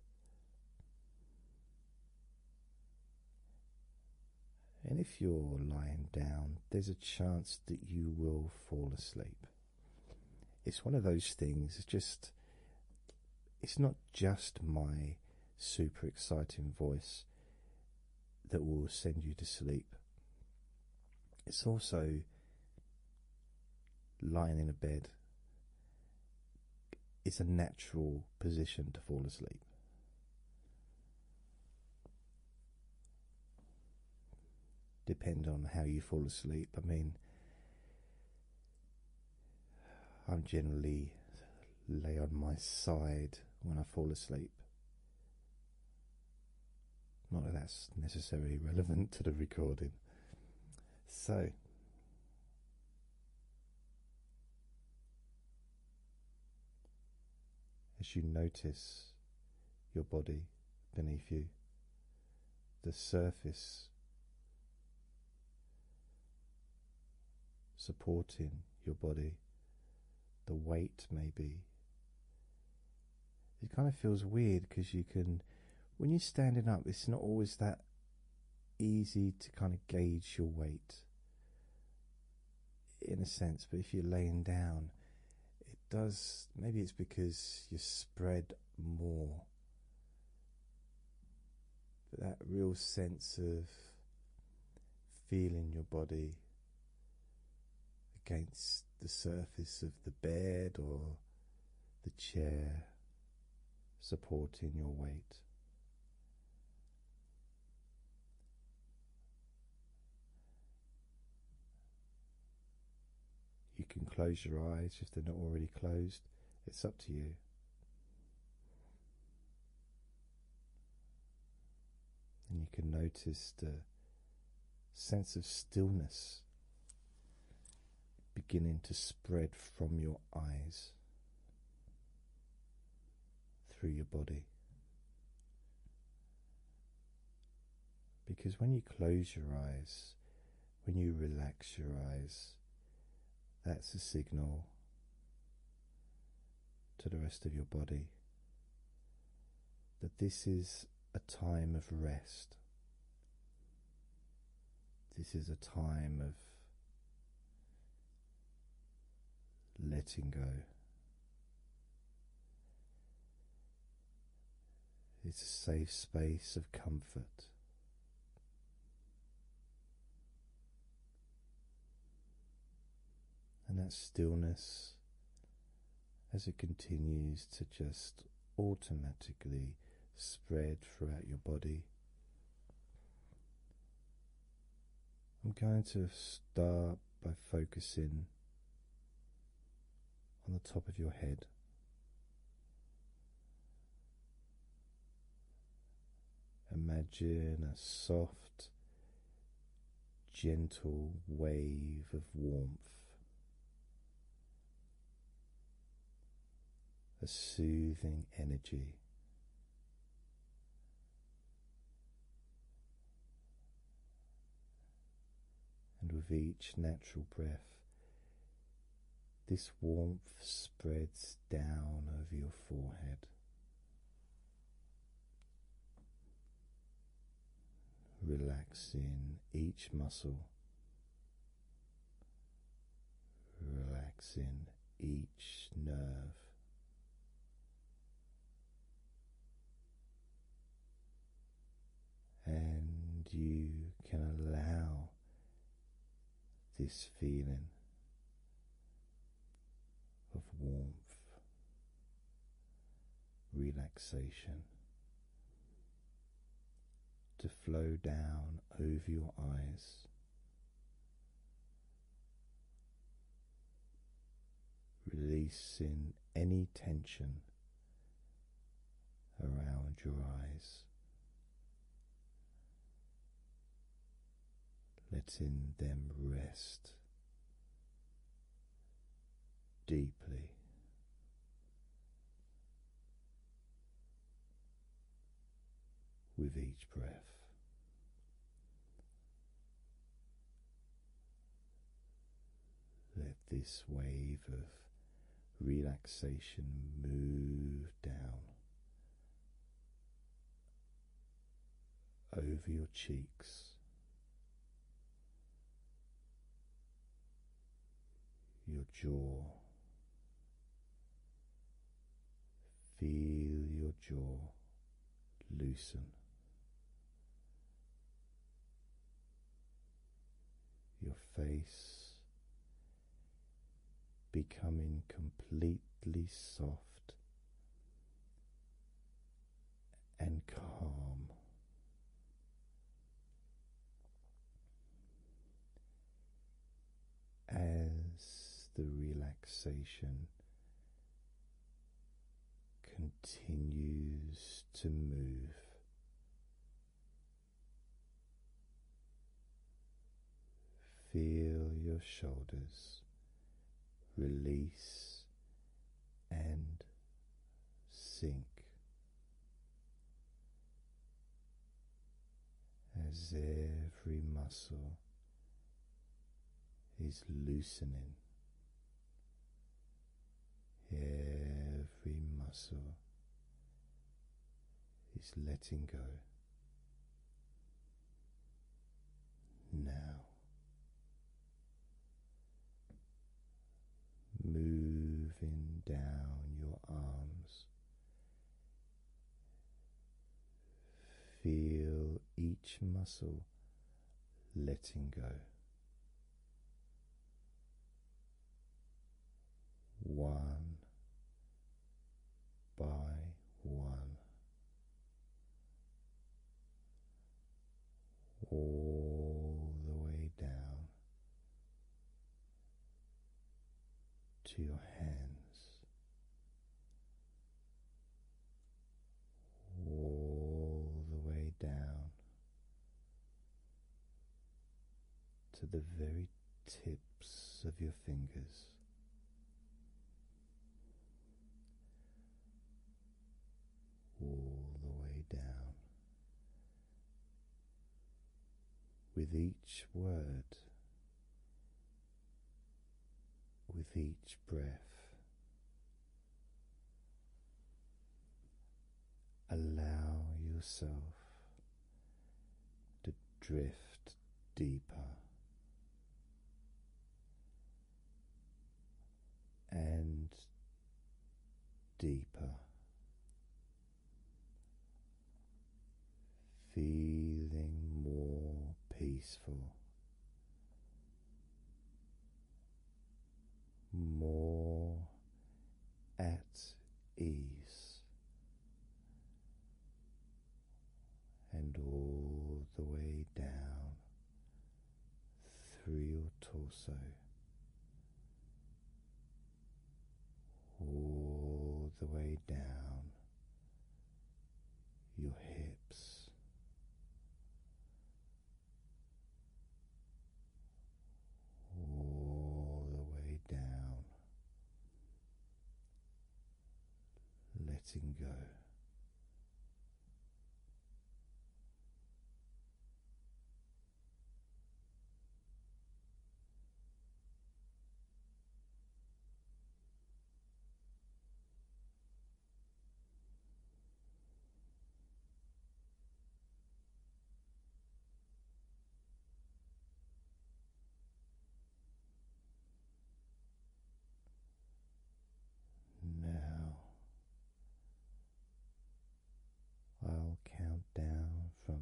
And if you're lying down, there's a chance that you will fall asleep. It's one of those things, it's just, it's not just my super exciting voice that will send you to sleep. It's also lying in a bed it's a natural position to fall asleep. Depend on how you fall asleep. I mean, I'm generally lay on my side when I fall asleep. Not that that's necessarily relevant to the recording. So, as you notice your body beneath you, the surface supporting your body, the weight may be. It kind of feels weird because you can, when you're standing up, it's not always that easy to kind of gauge your weight in a sense, but if you're laying down, it does. Maybe it's because you're spread more. But that real sense of feeling your body against the surface of the bed or the chair supporting your weight. You can close your eyes if they're not already closed, it's up to you. And you can notice the sense of stillness beginning to spread from your eyes through your body. Because when you close your eyes, when you relax your eyes, that's a signal to the rest of your body that this is a time of rest. This is a time of letting go. It's a safe space of comfort. And that stillness, as it continues to just automatically spread throughout your body, I'm going to start by focusing on the top of your head. Imagine a soft, gentle wave of warmth, a soothing energy and with each natural breath, this warmth spreads down over your forehead. Relaxing each muscle, relaxing each nerve, and you can allow this feeling of warmth, relaxation to flow down over your eyes. Releasing any tension around your eyes, letting them rest deeply. With each breath, let this wave of relaxation move down over your cheeks, your jaw. Feel your jaw loosen your face becoming completely soft and calm. As the relaxation continues to move. Feel your shoulders release and sink as every muscle is loosening every muscle is letting go now moving down your arms feel each muscle letting go. One by one, all the way down to your hands all the way down to the very tips of your fingers. All the way down. With each word, with each breath, Allow yourself to drift deeper and deeper, feeling more peaceful more at ease, and all the way down through your torso. All the way down your hips, all the way down, letting go. Now I'll count down from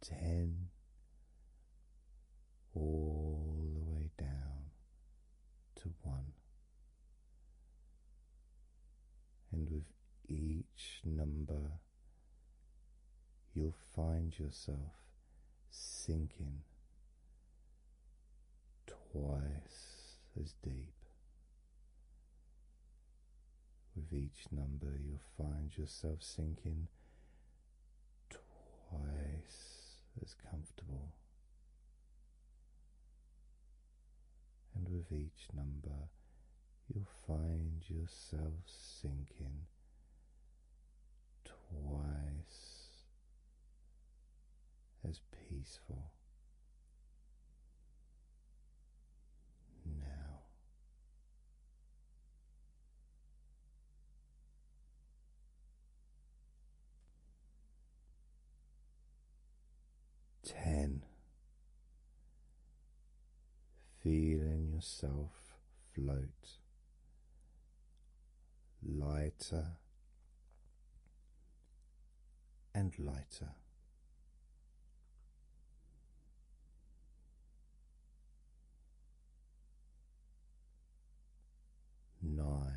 ten all the way down to one. And with each number, you'll find yourself sinking twice as deep. With each number, you'll find yourself sinking twice as comfortable and with each number you'll find yourself sinking twice as peaceful. Now, Ten. Feeling yourself float lighter and lighter. Nine.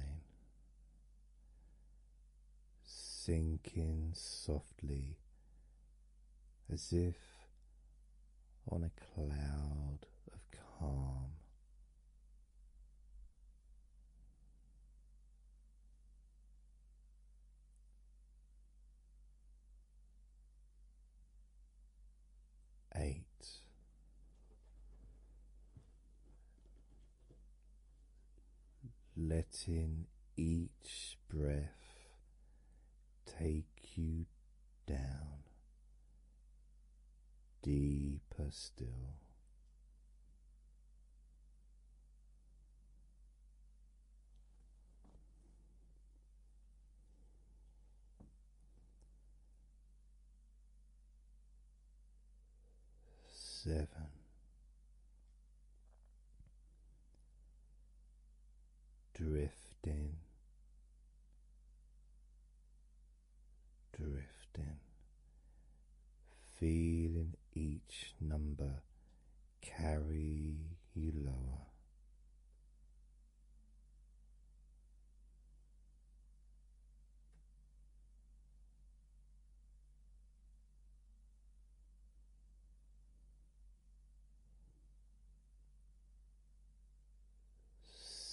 Sinking softly as if on a cloud of calm. Eight letting each breath take you down deeper still seven, drifting, drifting, feeling each number carry you lower.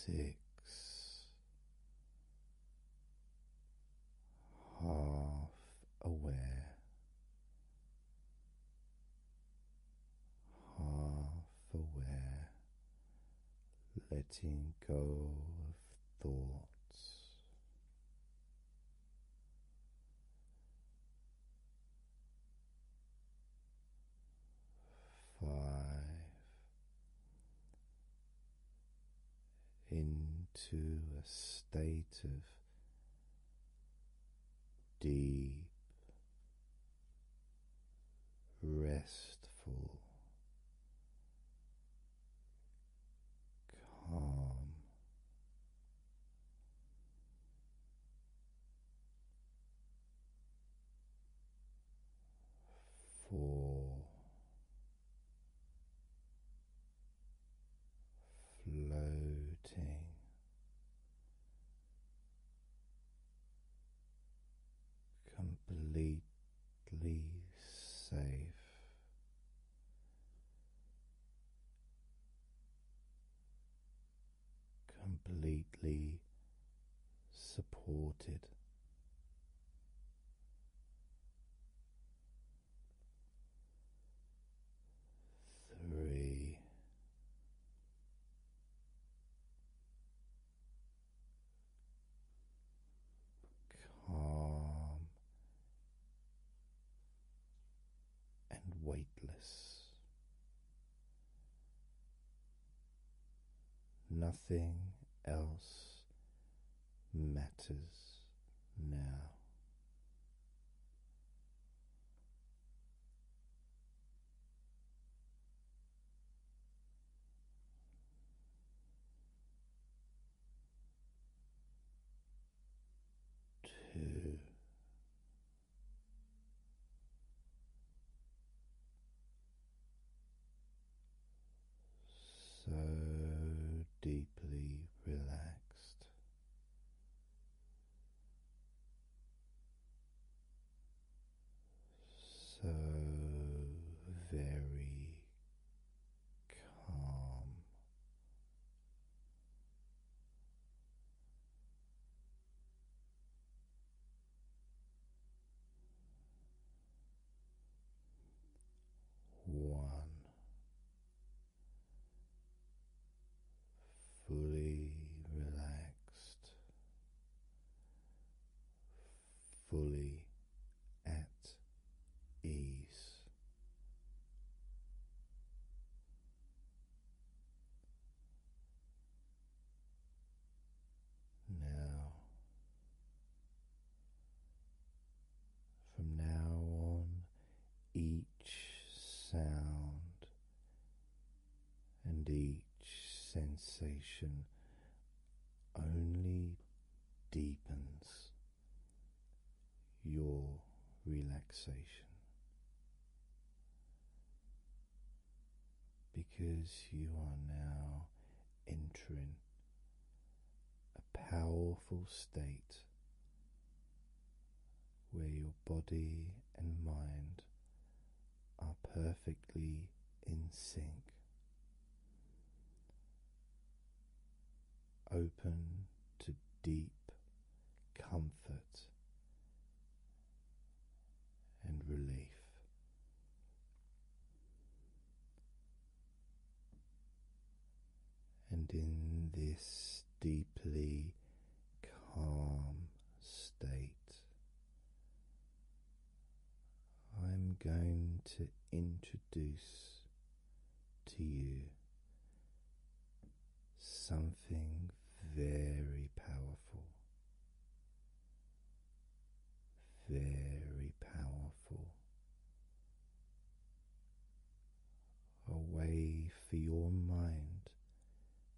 Six half aware, half aware, letting go of thoughts Five into a state of deep, restful calm. Four floating completely safe completely supported. Three, calm and weightless. Nothing else matters now two, so deeply relaxed. So very calm. One fully relaxed, fully at ease. Now, from now on, each sound and each sensation only deepens your relaxation because you are now entering a powerful state where your body and mind are perfectly in sync open to deep comfort and relief. And in this deeply calm state, I'm going to introduce to you something very powerful. Very powerful. A way for your mind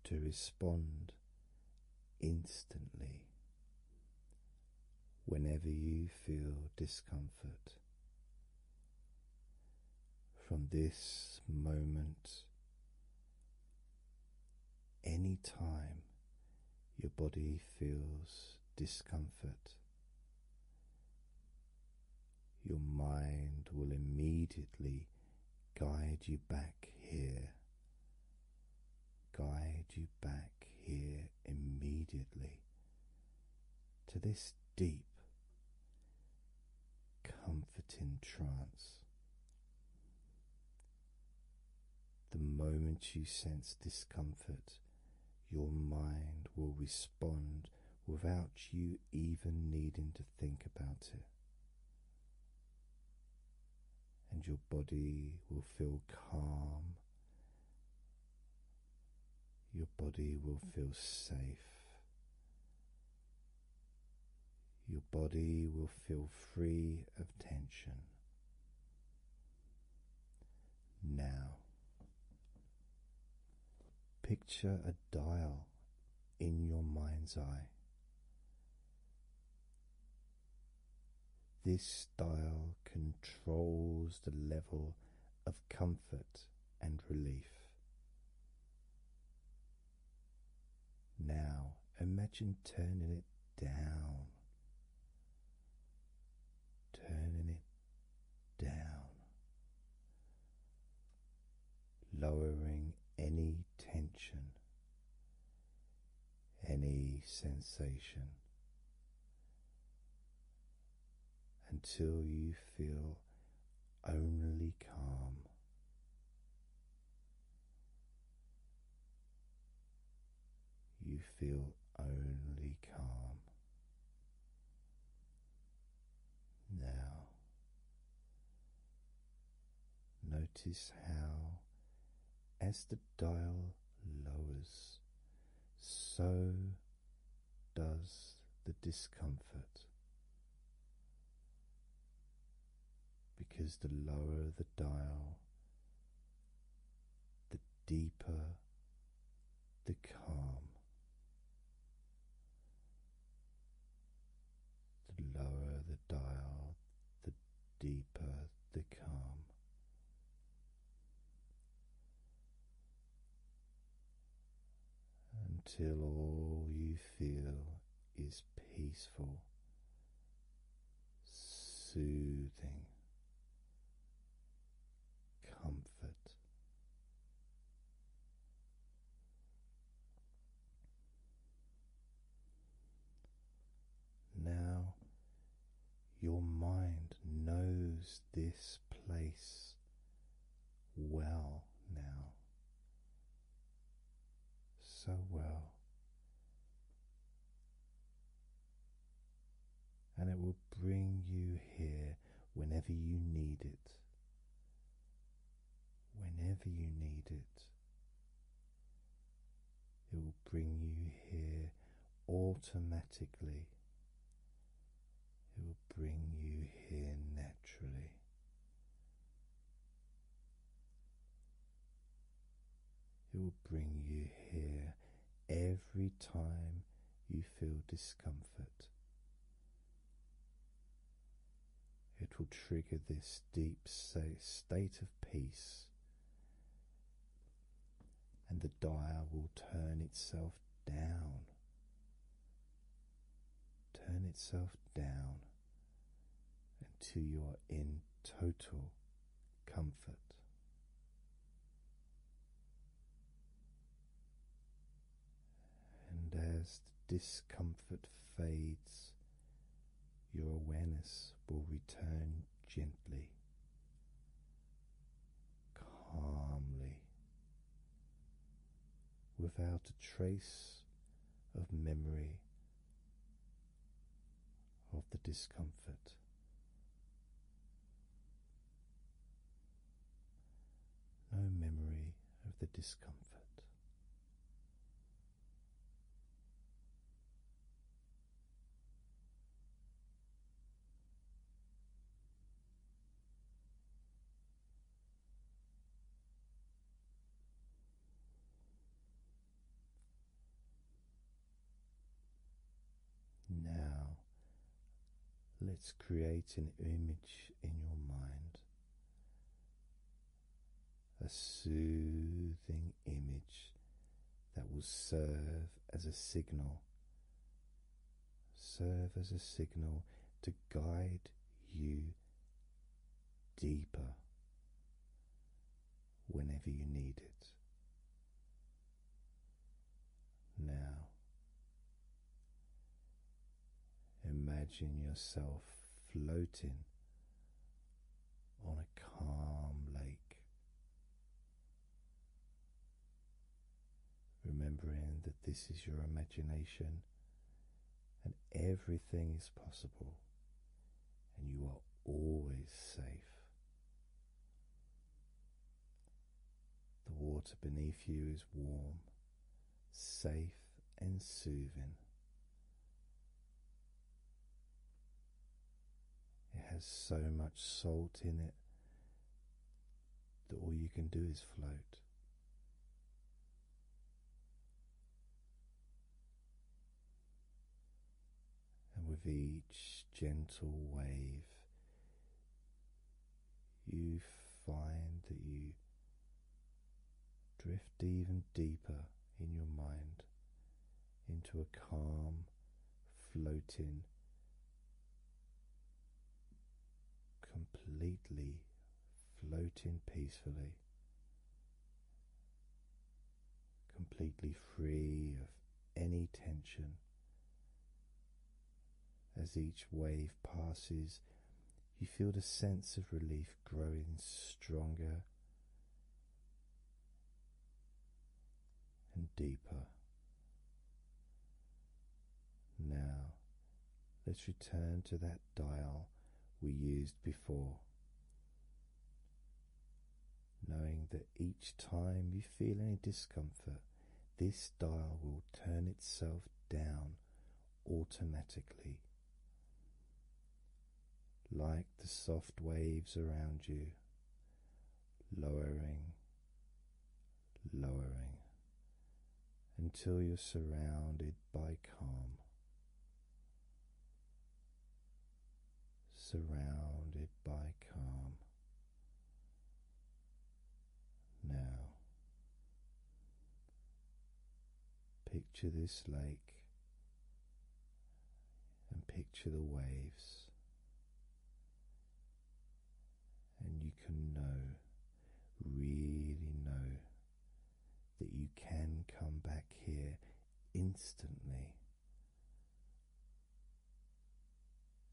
to respond instantly whenever you feel discomfort from this moment. Any time your body feels discomfort, your mind will immediately guide you back here, guide you back here immediately to this deep, comforting trance. The moment you sense discomfort, your mind will respond without you even needing to think about it. And your body will feel calm your body will feel safe. Your body will feel free of tension. Now, picture a dial in your mind's eye. This dial controls the level of comfort and relief. Now imagine turning it down, turning it down, lowering any tension, any sensation, until you feel only calm. You feel only calm. Now, notice how, as the dial lowers, so does the discomfort. Because the lower the dial, the deeper the calm. The lower the dial, the deeper the calm until all you feel is peaceful, soothing, comfort. Now your mind knows this place well now. So well. And it will bring you here whenever you need it. Whenever you need it. It will bring you here automatically it will bring you here naturally. It will bring you here every time you feel discomfort. It will trigger this deep state of peace, and the dial will turn itself down turn itself down until you are in total comfort. And as the discomfort fades, your awareness will return gently, calmly without a trace of memory of the discomfort. No memory of the discomfort. Now, let's create an image in your mind, a soothing image that will serve as a signal serve as a signal to guide you deeper whenever you need it. Now, imagine yourself floating on a calm lake remembering that this is your imagination and everything is possible, and you are always safe. The water beneath you is warm, safe, and soothing. It has so much salt in it that all you can do is float. And with each gentle wave, you find that you drift even deeper in your mind into a calm, floating, completely floating peacefully, completely free of any tension. As each wave passes, you feel the sense of relief growing stronger and deeper. Now Let's return to that dial we used before. Knowing that each time you feel any discomfort, this dial will turn itself down automatically, like the soft waves around you, lowering, lowering until you're surrounded by calm. Surrounded by calm. Now, picture this lake and picture the waves and you can know, really know, that you can come back here instantly.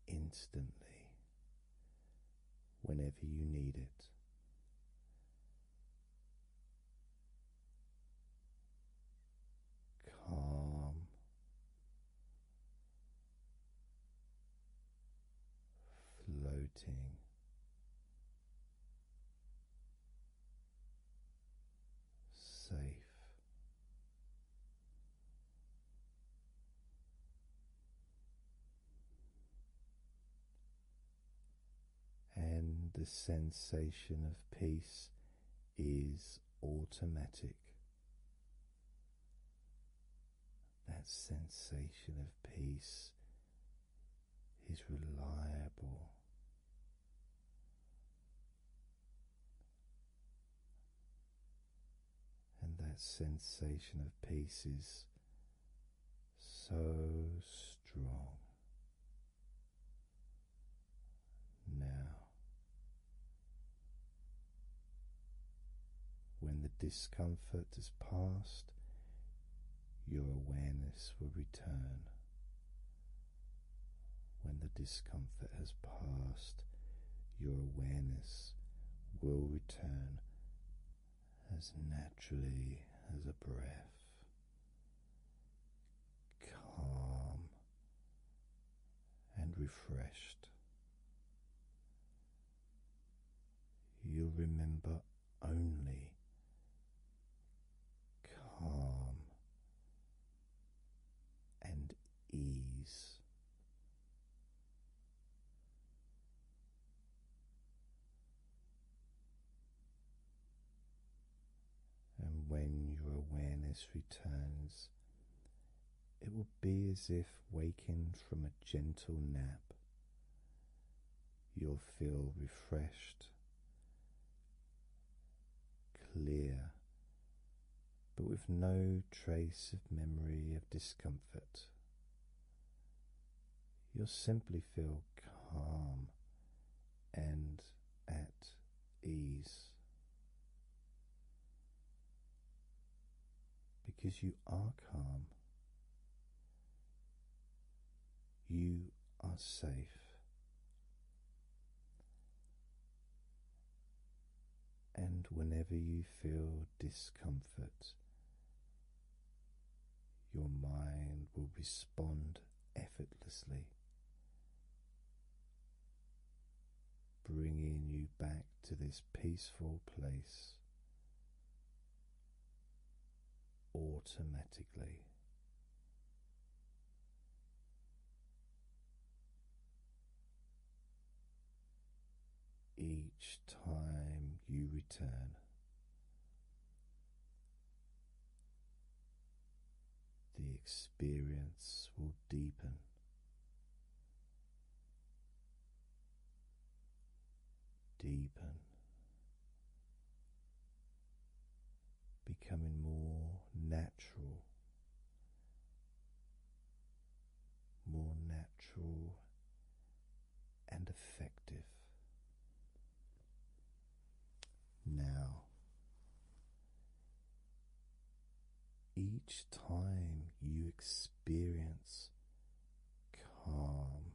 Instantly, whenever you need it. Calm, floating safe. And the sensation of peace is automatic. That sensation of peace He's reliable. And that sensation of peace is so strong. Now, when the discomfort is past. Your awareness will return when the discomfort has passed. Your awareness will return as naturally as a breath, calm and refreshed. You'll remember only calm and ease. And when your awareness returns, it will be as if waking from a gentle nap, you'll feel refreshed, clear, but with no trace of memory of discomfort. You'll simply feel calm and at ease. Because you are calm, you are safe. And whenever you feel discomfort, your mind will respond effortlessly, bringing you back to this peaceful place automatically. Each time you return, the experience will deepen deepen, becoming more natural, more natural and effective. Now, each time you experience calm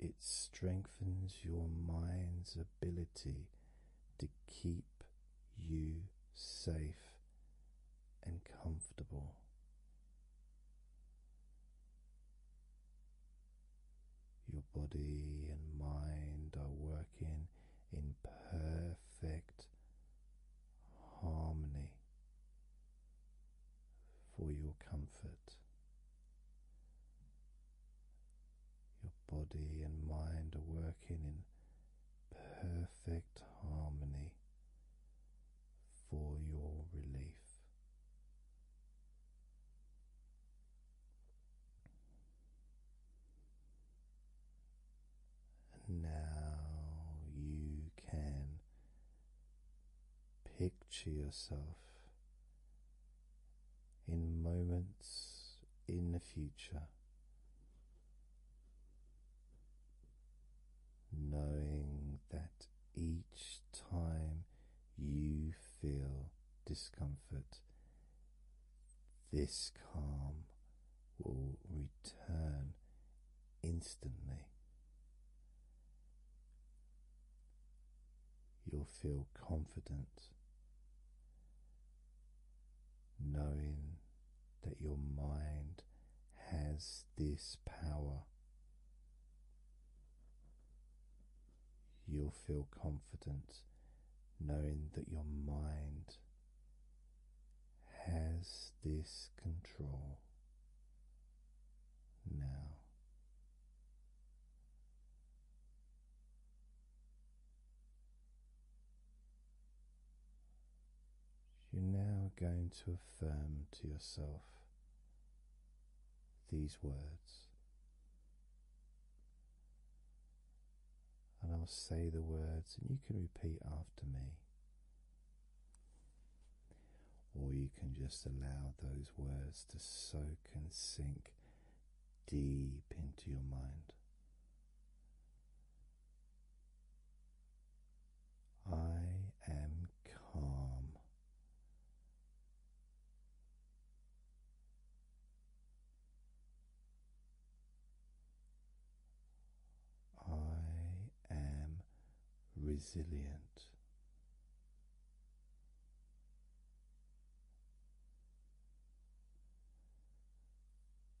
it strengthens your mind's ability to keep you safe and comfortable. Your body and mind are working in perfect harmony for your comfort. Your body and mind are working in perfect harmony for your relief. now you can Picture yourself in moments in the future, knowing that each time you feel discomfort, this calm will return instantly. You'll feel confident knowing that your mind has this power. You'll feel confident knowing that your mind has this control now. You're now going to affirm to yourself these words, and I'll say the words, and you can repeat after me or you can just allow those words to soak and sink deep into your mind. I am calm. I am resilient.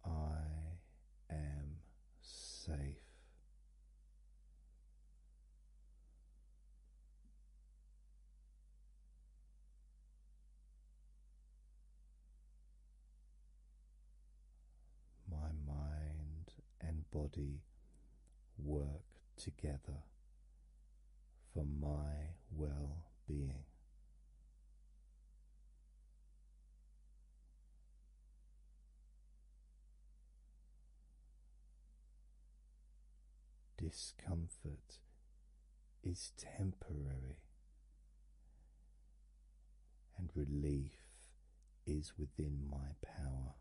I am safe. My mind and body work together for my well being. Discomfort is temporary, and relief is within my power.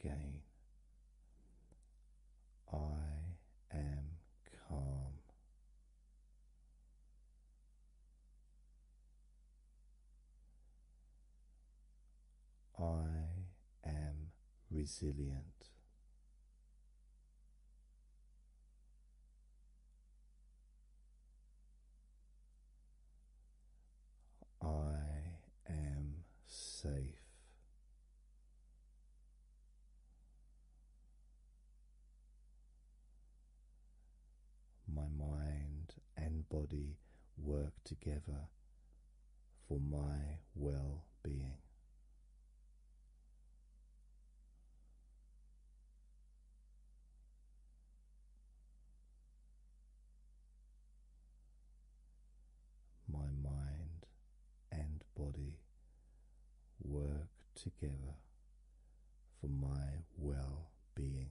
Again, I am calm. I am resilient. I am safe. My mind and body work together for my well being. My mind and body work together for my well being.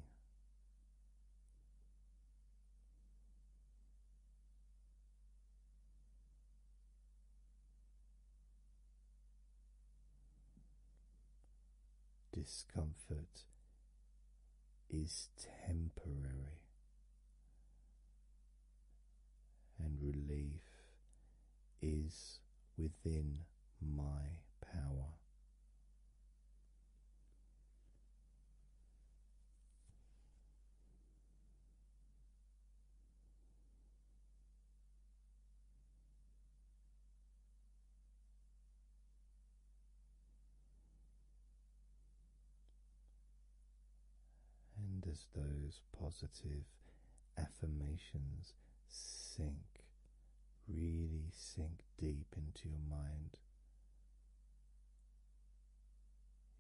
Discomfort is temporary, and relief is within my power. And as those positive affirmations sink, really sink deep into your mind,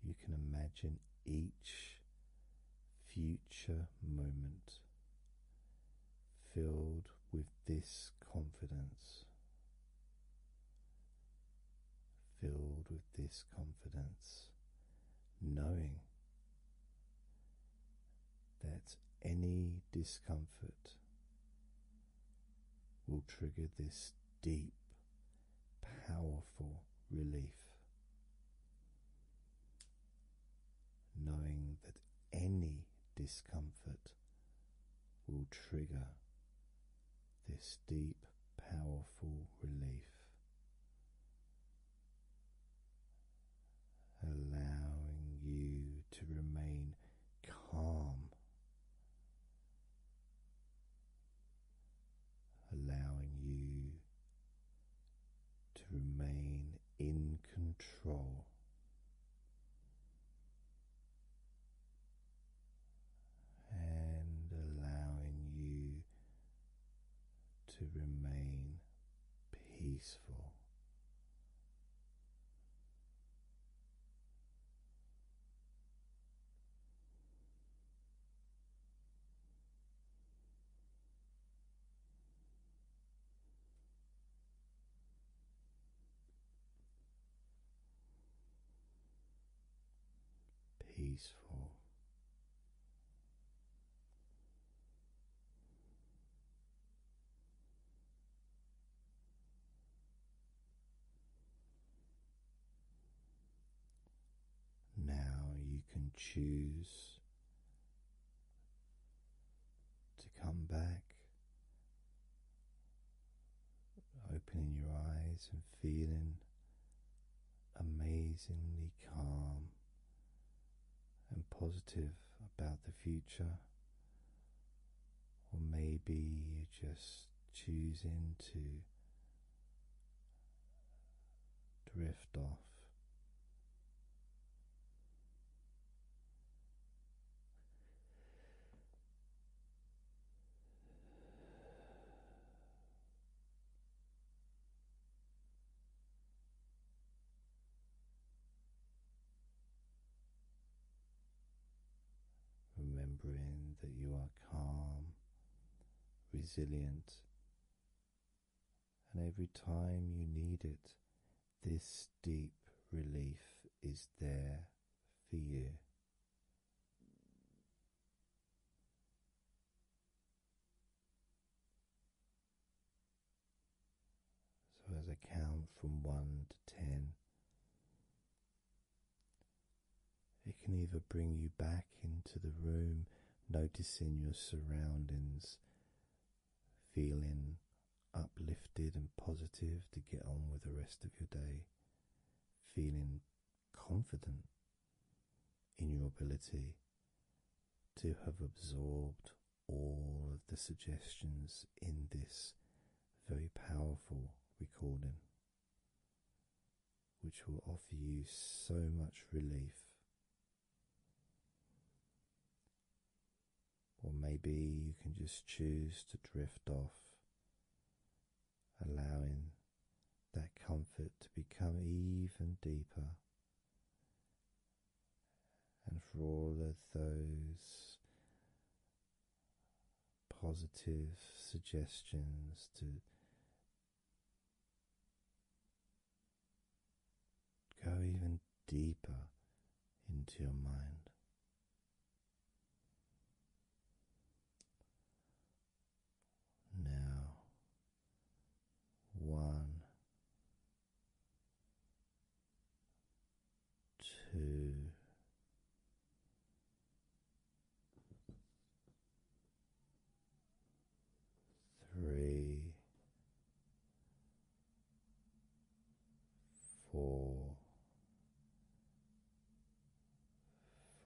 you can imagine each future moment filled with this confidence. Filled with this confidence, knowing that any discomfort will trigger this deep, powerful relief knowing that any discomfort will trigger this deep, powerful relief. Allowing you to remain calm, allowing you to remain in control. And allowing you to remain peaceful peaceful. Now you can choose to come back, opening your eyes and feeling amazingly calm and positive about the future. Or maybe you just choosing to drift off. Remembering that you are calm, resilient, and every time you need it, this deep relief is there for you. So, as I count from one to ten, it can either bring you back into the room, noticing your surroundings feeling uplifted and positive to get on with the rest of your day, feeling confident in your ability to have absorbed all of the suggestions in this very powerful recording. Which will offer you so much relief or maybe you can just choose to drift off, allowing that comfort to become even deeper. And for all of those positive suggestions to Go even deeper into your mind. Now, one, two, Three, four,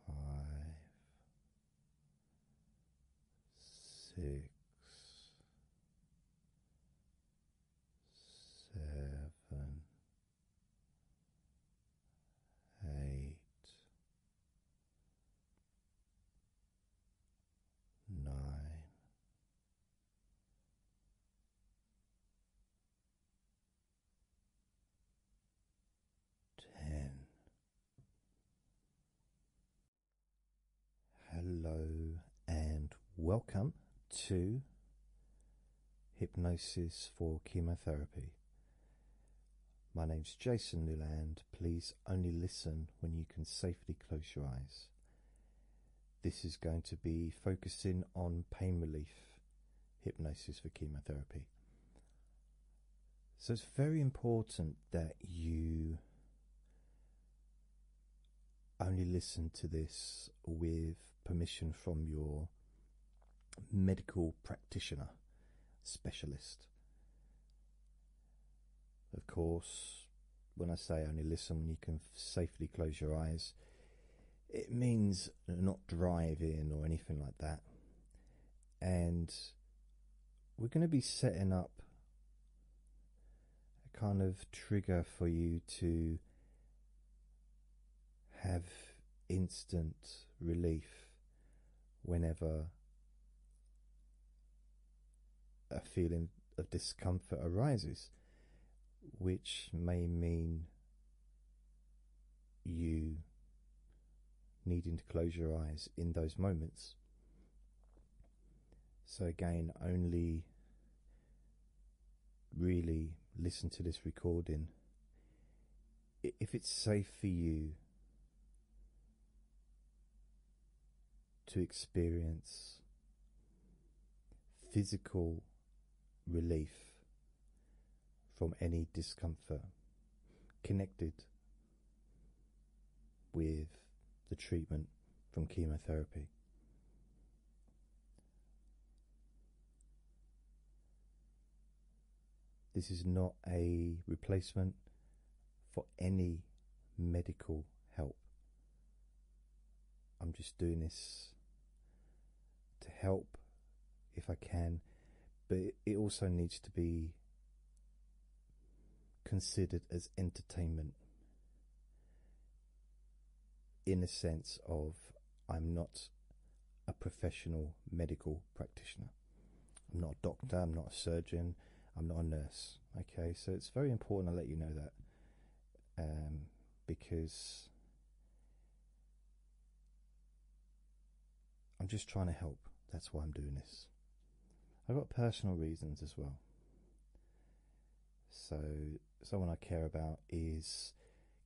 five, six, seven, eight nine, ten. Hello and welcome to Hypnosis for Chemotherapy. My name is Jason Newland. Please only listen when you can safely close your eyes. This is going to be focusing on pain relief hypnosis for chemotherapy. So it's very important that you only listen to this with permission from your medical practitioner specialist. Of course, when I say only listen when you can safely close your eyes, it means not driving or anything like that. And we're going to be setting up a kind of trigger for you to have instant relief whenever a feeling of discomfort arises, which may mean you needing to close your eyes in those moments. So, again, only really listen to this recording if it's safe for you to experience physical relief from any discomfort connected with the treatment from chemotherapy. This is not a replacement for any medical help. I'm just doing this to help if I can, but it also needs to be considered as entertainment in a sense of I'm not a professional medical practitioner. I'm not a doctor, I'm not a surgeon, I'm not a nurse. Okay, so it's very important I let you know that um, because I'm just trying to help. That's why I'm doing this. I've got personal reasons as well. So, someone I care about is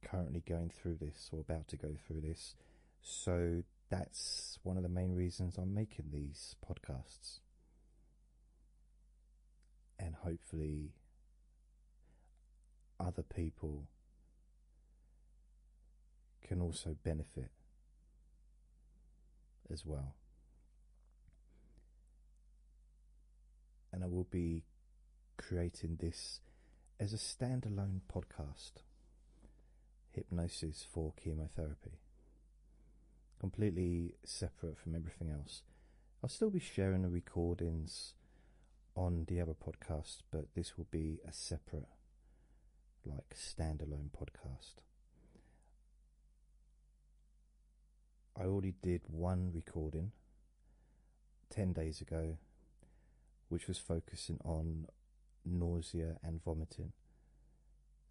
currently going through this or about to go through this. So, that's one of the main reasons I'm making these podcasts and hopefully other people can also benefit as well. And I will be creating this as a standalone podcast Hypnosis for Chemotherapy completely separate from everything else. I'll still be sharing the recordings on the other podcast, but this will be a separate, like, standalone podcast. I already did one recording 10 days ago, which was focusing on nausea and vomiting.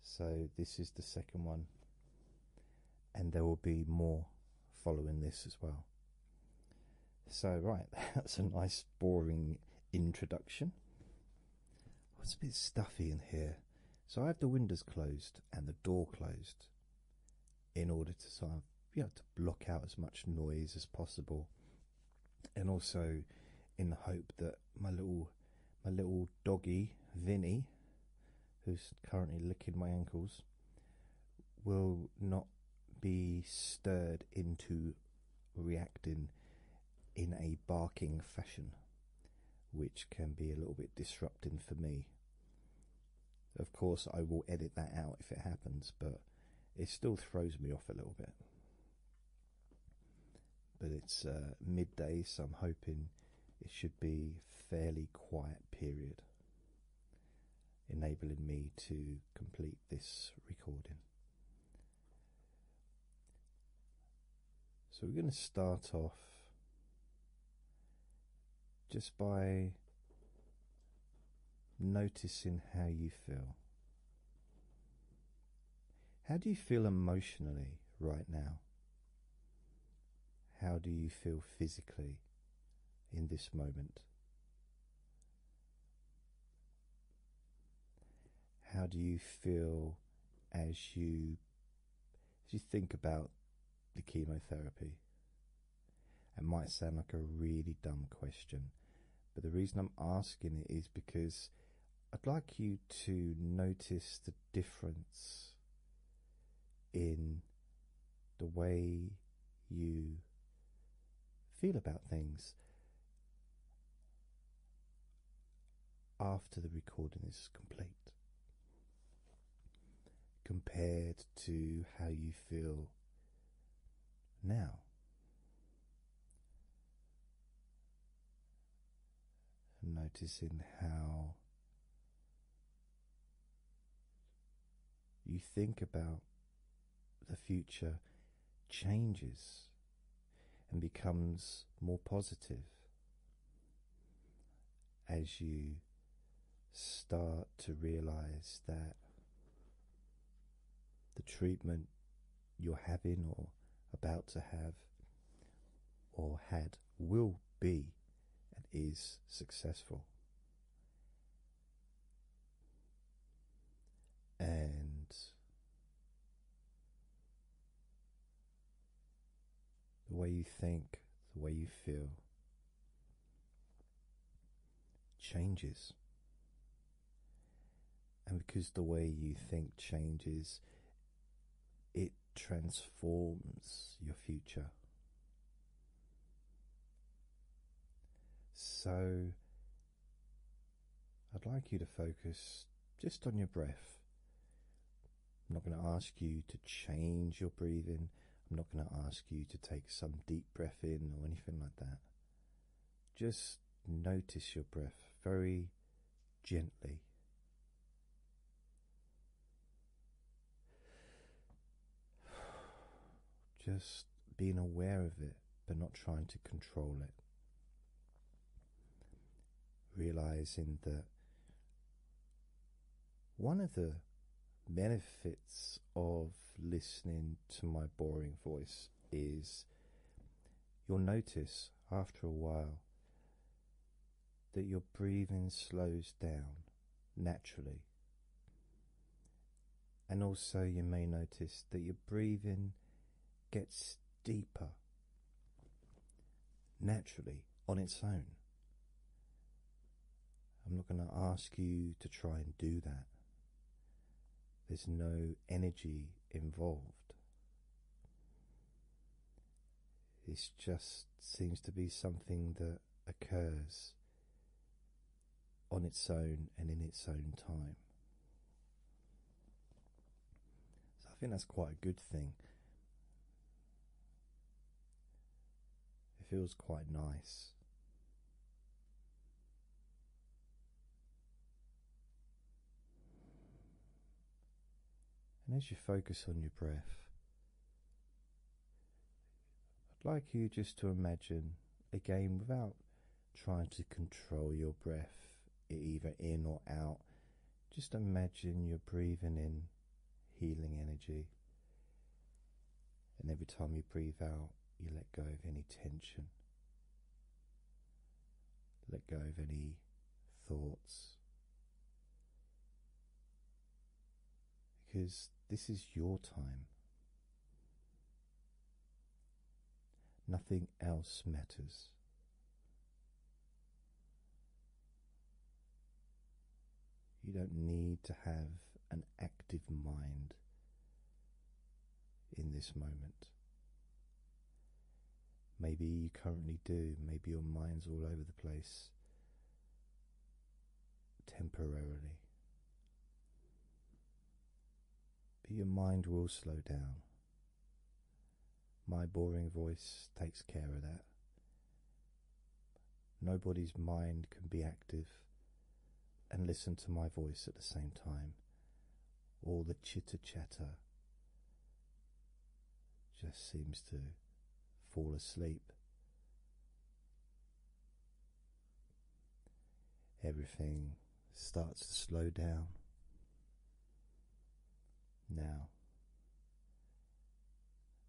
So, this is the second one, and there will be more following this as well. So, right, that's a nice, boring introduction. it's a bit stuffy in here, so I have the windows closed and the door closed in order to sort of be to block out as much noise as possible, and also in the hope that my little my little doggy, Vinny, who's currently licking my ankles, will not be stirred into reacting in a barking fashion, which can be a little bit disrupting for me. Of course, I will edit that out if it happens, but it still throws me off a little bit. But it's uh, midday, so I'm hoping it should be fairly quiet period enabling me to complete this recording so we're going to start off just by noticing how you feel how do you feel emotionally right now how do you feel physically in this moment? How do you feel as you as you think about the chemotherapy? It might sound like a really dumb question, but the reason I'm asking it is because I'd like you to notice the difference in the way you feel about things after the recording is complete compared to how you feel now. Noticing how you think about the future changes and becomes more positive as you start to realize that the treatment you're having or about to have or had will be and is successful. And the way you think, the way you feel changes. And because the way you think changes, it transforms your future. So, I'd like you to focus just on your breath. I'm not going to ask you to change your breathing. I'm not going to ask you to take some deep breath in or anything like that. Just notice your breath very gently. Just being aware of it, but not trying to control it. Realizing that one of the benefits of listening to my boring voice is you'll notice after a while that your breathing slows down naturally. And also, you may notice that your breathing gets deeper naturally on its own. I'm not going to ask you to try and do that. There's no energy involved. It just seems to be something that occurs on its own and in its own time. So I think that's quite a good thing. It feels quite nice. And as you focus on your breath, I'd like you just to imagine, again, without trying to control your breath, either in or out, just imagine you're breathing in healing energy. And every time you breathe out, you let go of any tension, let go of any thoughts because this is your time. Nothing else matters. You don't need to have an active mind in this moment. Maybe you currently do, maybe your mind's all over the place temporarily. But your mind will slow down. My boring voice takes care of that. Nobody's mind can be active and listen to my voice at the same time. All the chitter chatter just seems to fall asleep Everything starts to slow down. Now,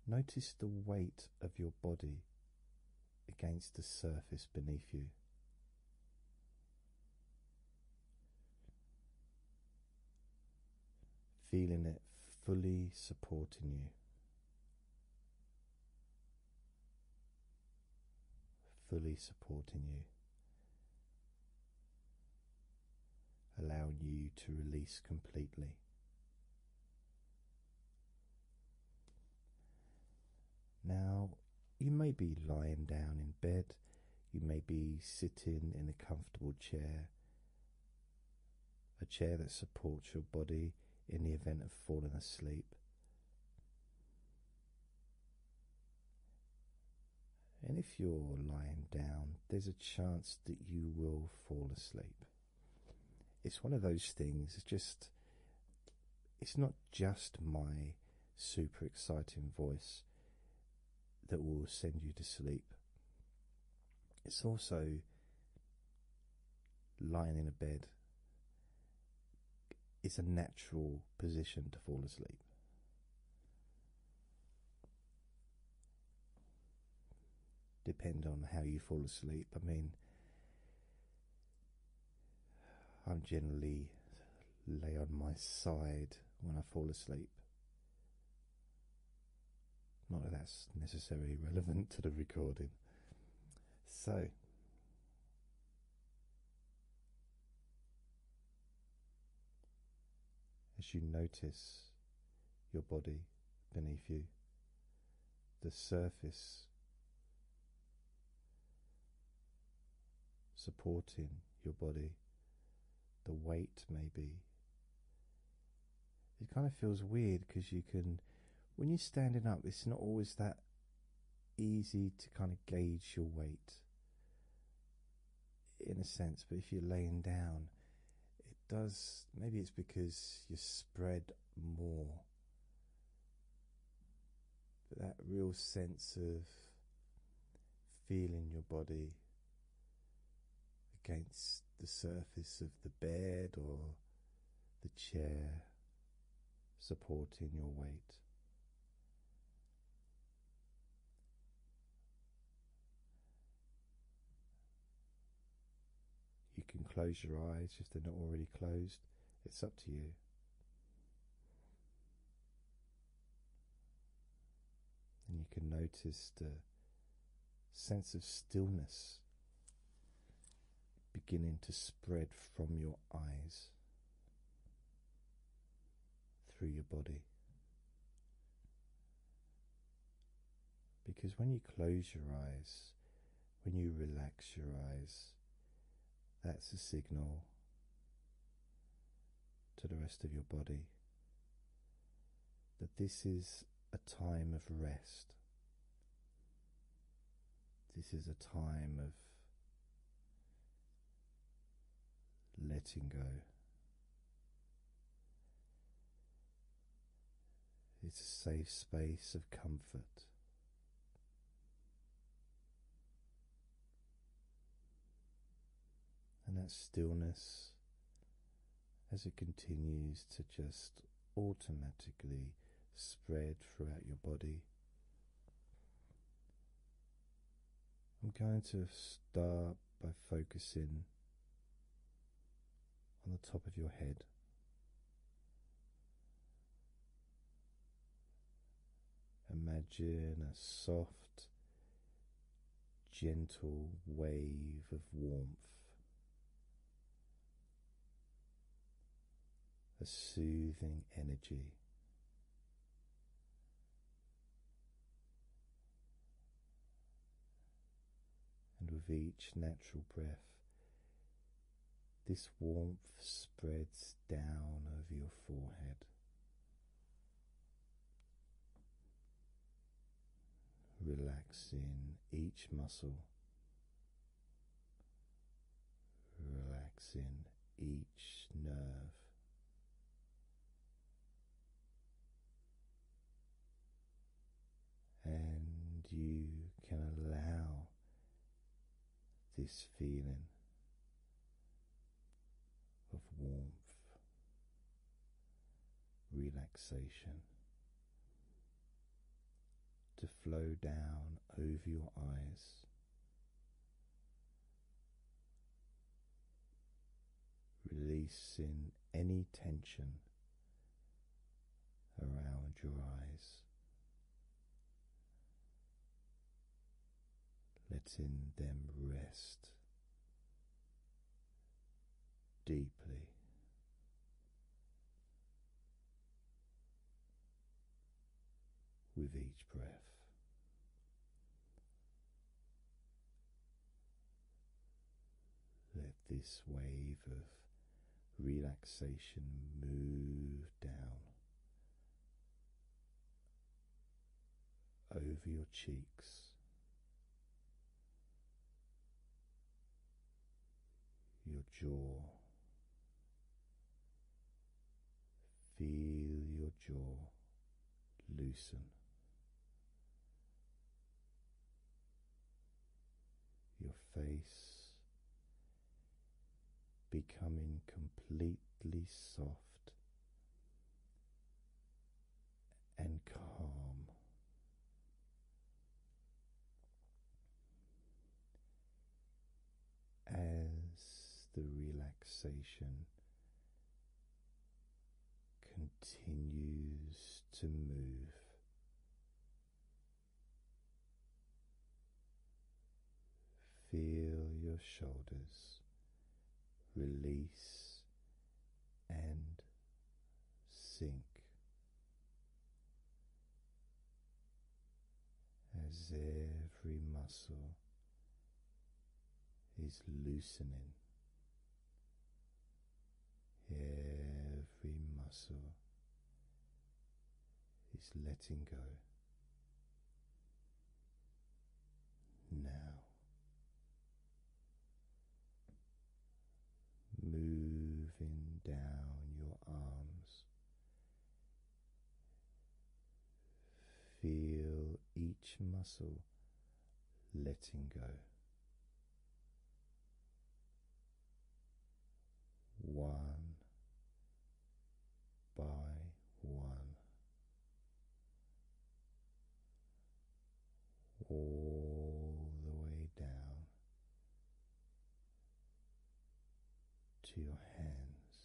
notice the weight of your body against the surface beneath you. Feeling it fully supporting you fully supporting you, allowing you to release completely. Now, you may be lying down in bed, you may be sitting in a comfortable chair, a chair that supports your body in the event of falling asleep. And if you're lying down, there's a chance that you will fall asleep. It's one of those things, it's just, it's not just my super exciting voice that will send you to sleep. It's also lying in a bed is a natural position to fall asleep. Depend on how you fall asleep. I mean, I'm generally lay on my side when I fall asleep. Not that that's necessarily relevant to the recording. So, as you notice your body beneath you, the surface supporting your body, the weight may be it kind of feels weird because you can when you're standing up it's not always that easy to kind of gauge your weight in a sense but if you're laying down it does maybe it's because you're spread more but that real sense of feeling your body against the surface of the bed or the chair supporting your weight. You can close your eyes if they're not already closed, it's up to you. And you can notice the sense of stillness beginning to spread from your eyes through your body. Because when you close your eyes, when you relax your eyes, that's a signal to the rest of your body that this is a time of rest. This is a time of letting go. It's a safe space of comfort. And that stillness as it continues to just automatically spread throughout your body. I'm going to start by focusing on the top of your head. Imagine a soft, gentle wave of warmth a soothing energy. And with each natural breath, this warmth spreads down over your forehead, relaxing each muscle relaxing each nerve. And you can allow this feeling of warmth, relaxation to flow down over your eyes. Releasing any tension around your eyes, letting them rest deeply with each breath. Let this wave of relaxation move down over your cheeks, your jaw. Feel your jaw loosen. Your face becoming completely soft and calm as the relaxation continues to move. Feel your shoulders release and sink as every muscle is loosening, every muscle is letting go. Now moving down your arms Feel each muscle letting go. One by one, all the way down to your hands.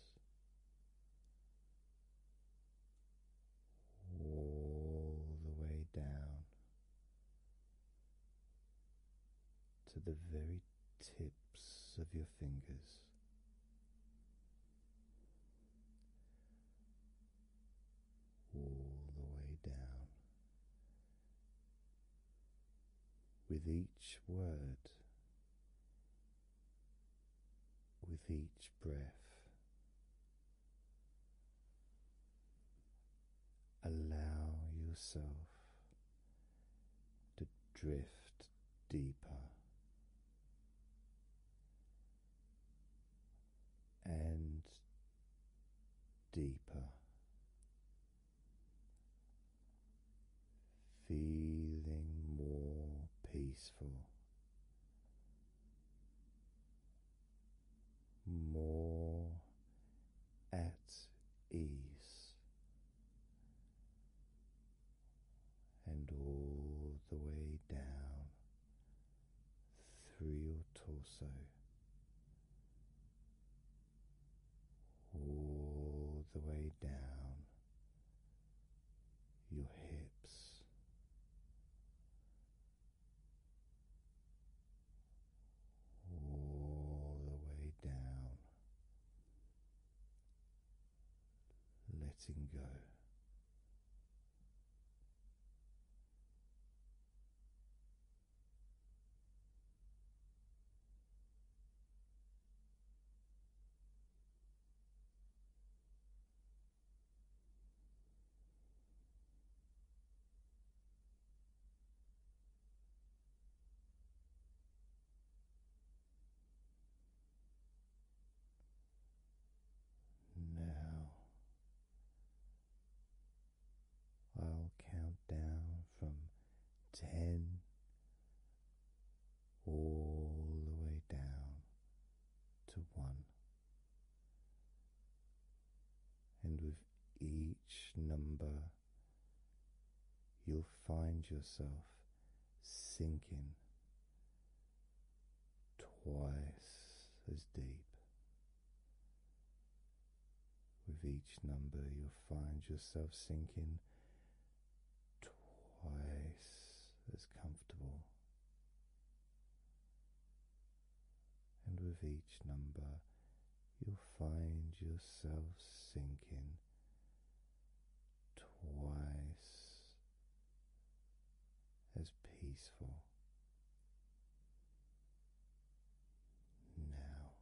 All the way down to the very tips of your fingers, all the way down with each word, with each breath. Allow yourself to drift deeper and deeper feeling more peaceful, more at ease, and all the way down through your torso all the way down your hips. All the way down, letting go. Now I'll count down from ten, all the way down to one. And with each number, you'll find yourself sinking twice as deep with each number, you'll find yourself sinking twice as comfortable. And with each number, you'll find yourself sinking twice as peaceful. Now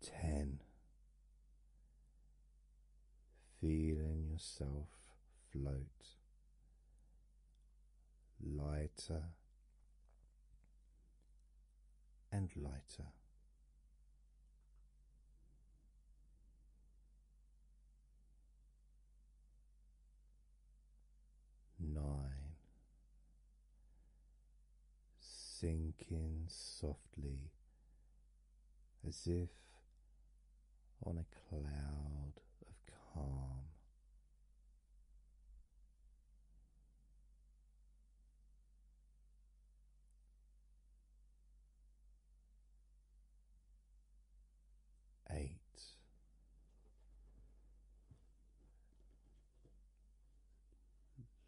Ten, feeling yourself float lighter and lighter. Nine. Sinking softly as if on a cloud of calm eight.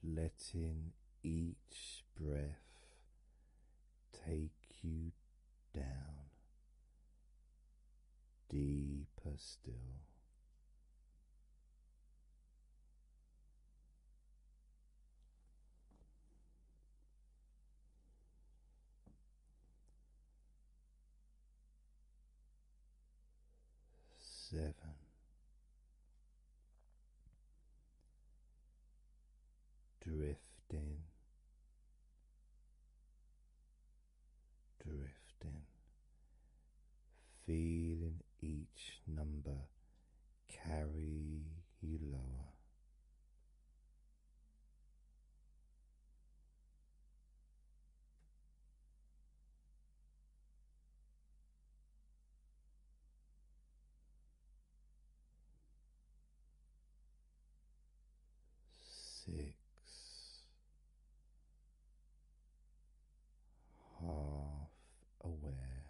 Letting each breath take you down deeper still seven, drifting, drifting, feeling each number carry you lower six half aware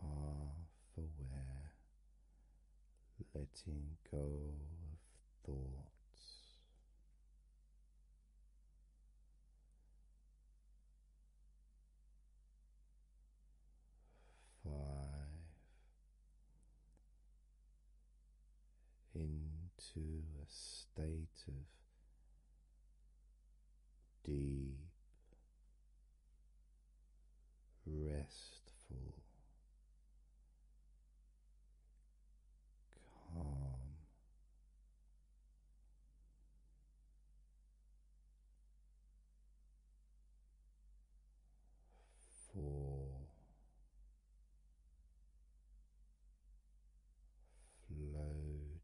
half aware, letting go of thoughts. Five into a state of deep restful, calm. Four floating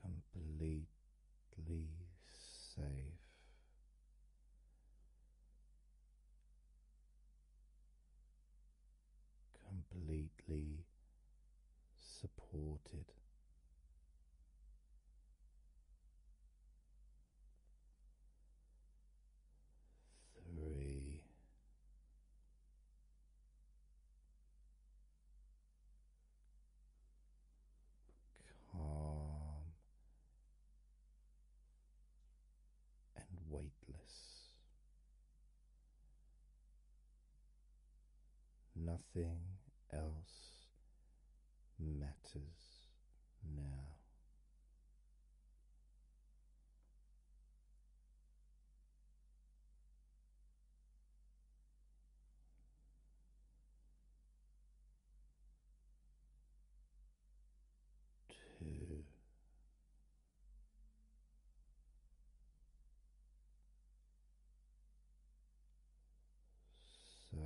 completely safe. Completely supported. Three calm and weightless. Nothing else matters now two. So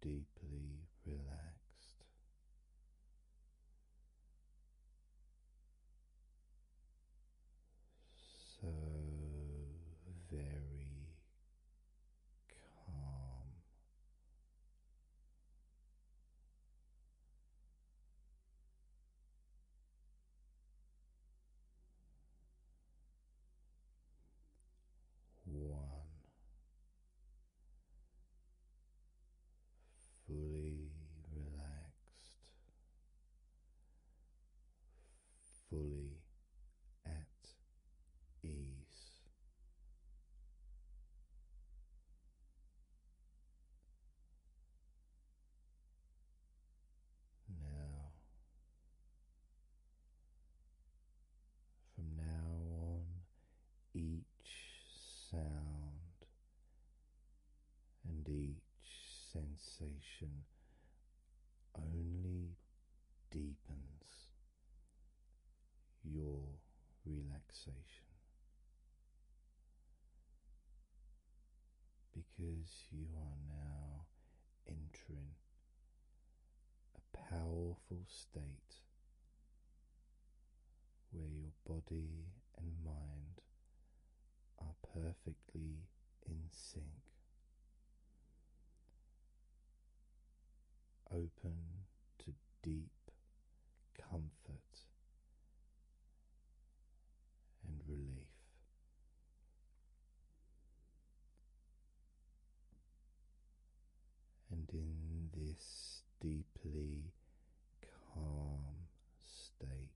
deeply relaxed, so very calm. One fully relaxed fully at ease. Now, from now on, each sound and each sensation only deepens your relaxation. Because you are now entering a powerful state where your body and mind are perfectly in sync. Open to deep comfort and relief. And in this deeply calm state,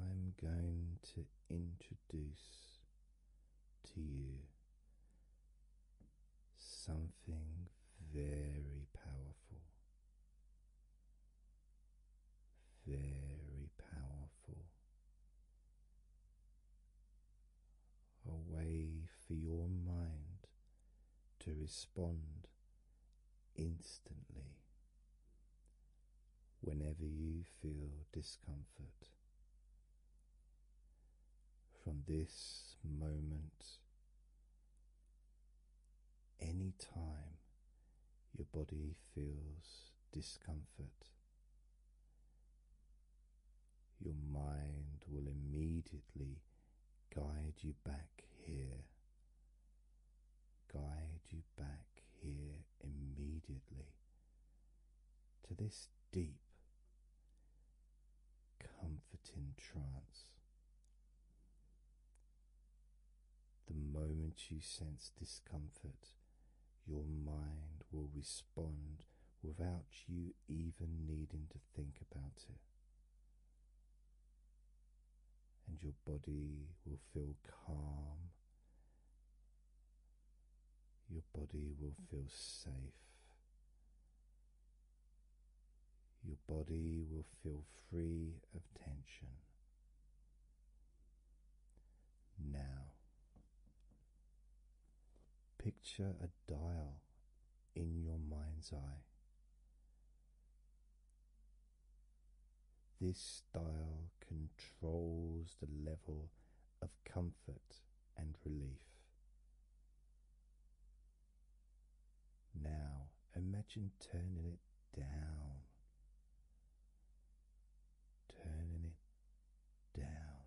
I'm going to introduce to you something very powerful, very powerful. A way for your mind to respond instantly whenever you feel discomfort. From this moment, any time your body feels discomfort, your mind will immediately guide you back here, guide you back here immediately to this deep, comforting trance. The moment you sense discomfort, your mind will respond without you even needing to think about it and your body will feel calm. Your body will feel safe. Your body will feel free of tension. Now, picture a dial in your mind's eye. This style controls the level of comfort and relief. Now imagine turning it down, turning it down,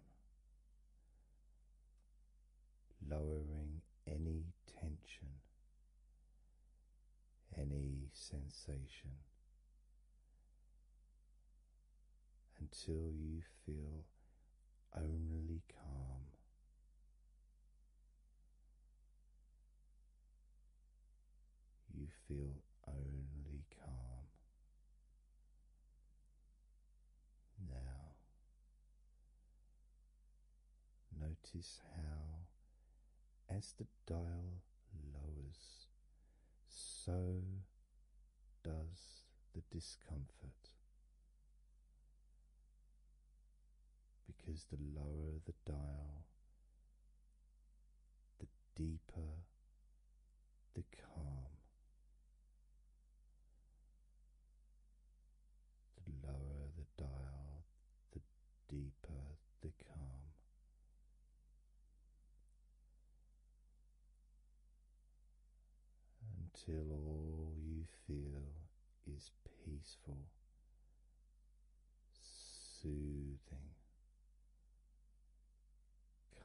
lowering any tension any sensation until you feel only calm. You feel only calm. Now Notice how, as the dial lowers, so does the discomfort. Because the lower the dial, the deeper the calm. The lower the dial, the deeper the calm. Until all you feel is peaceful, soothing,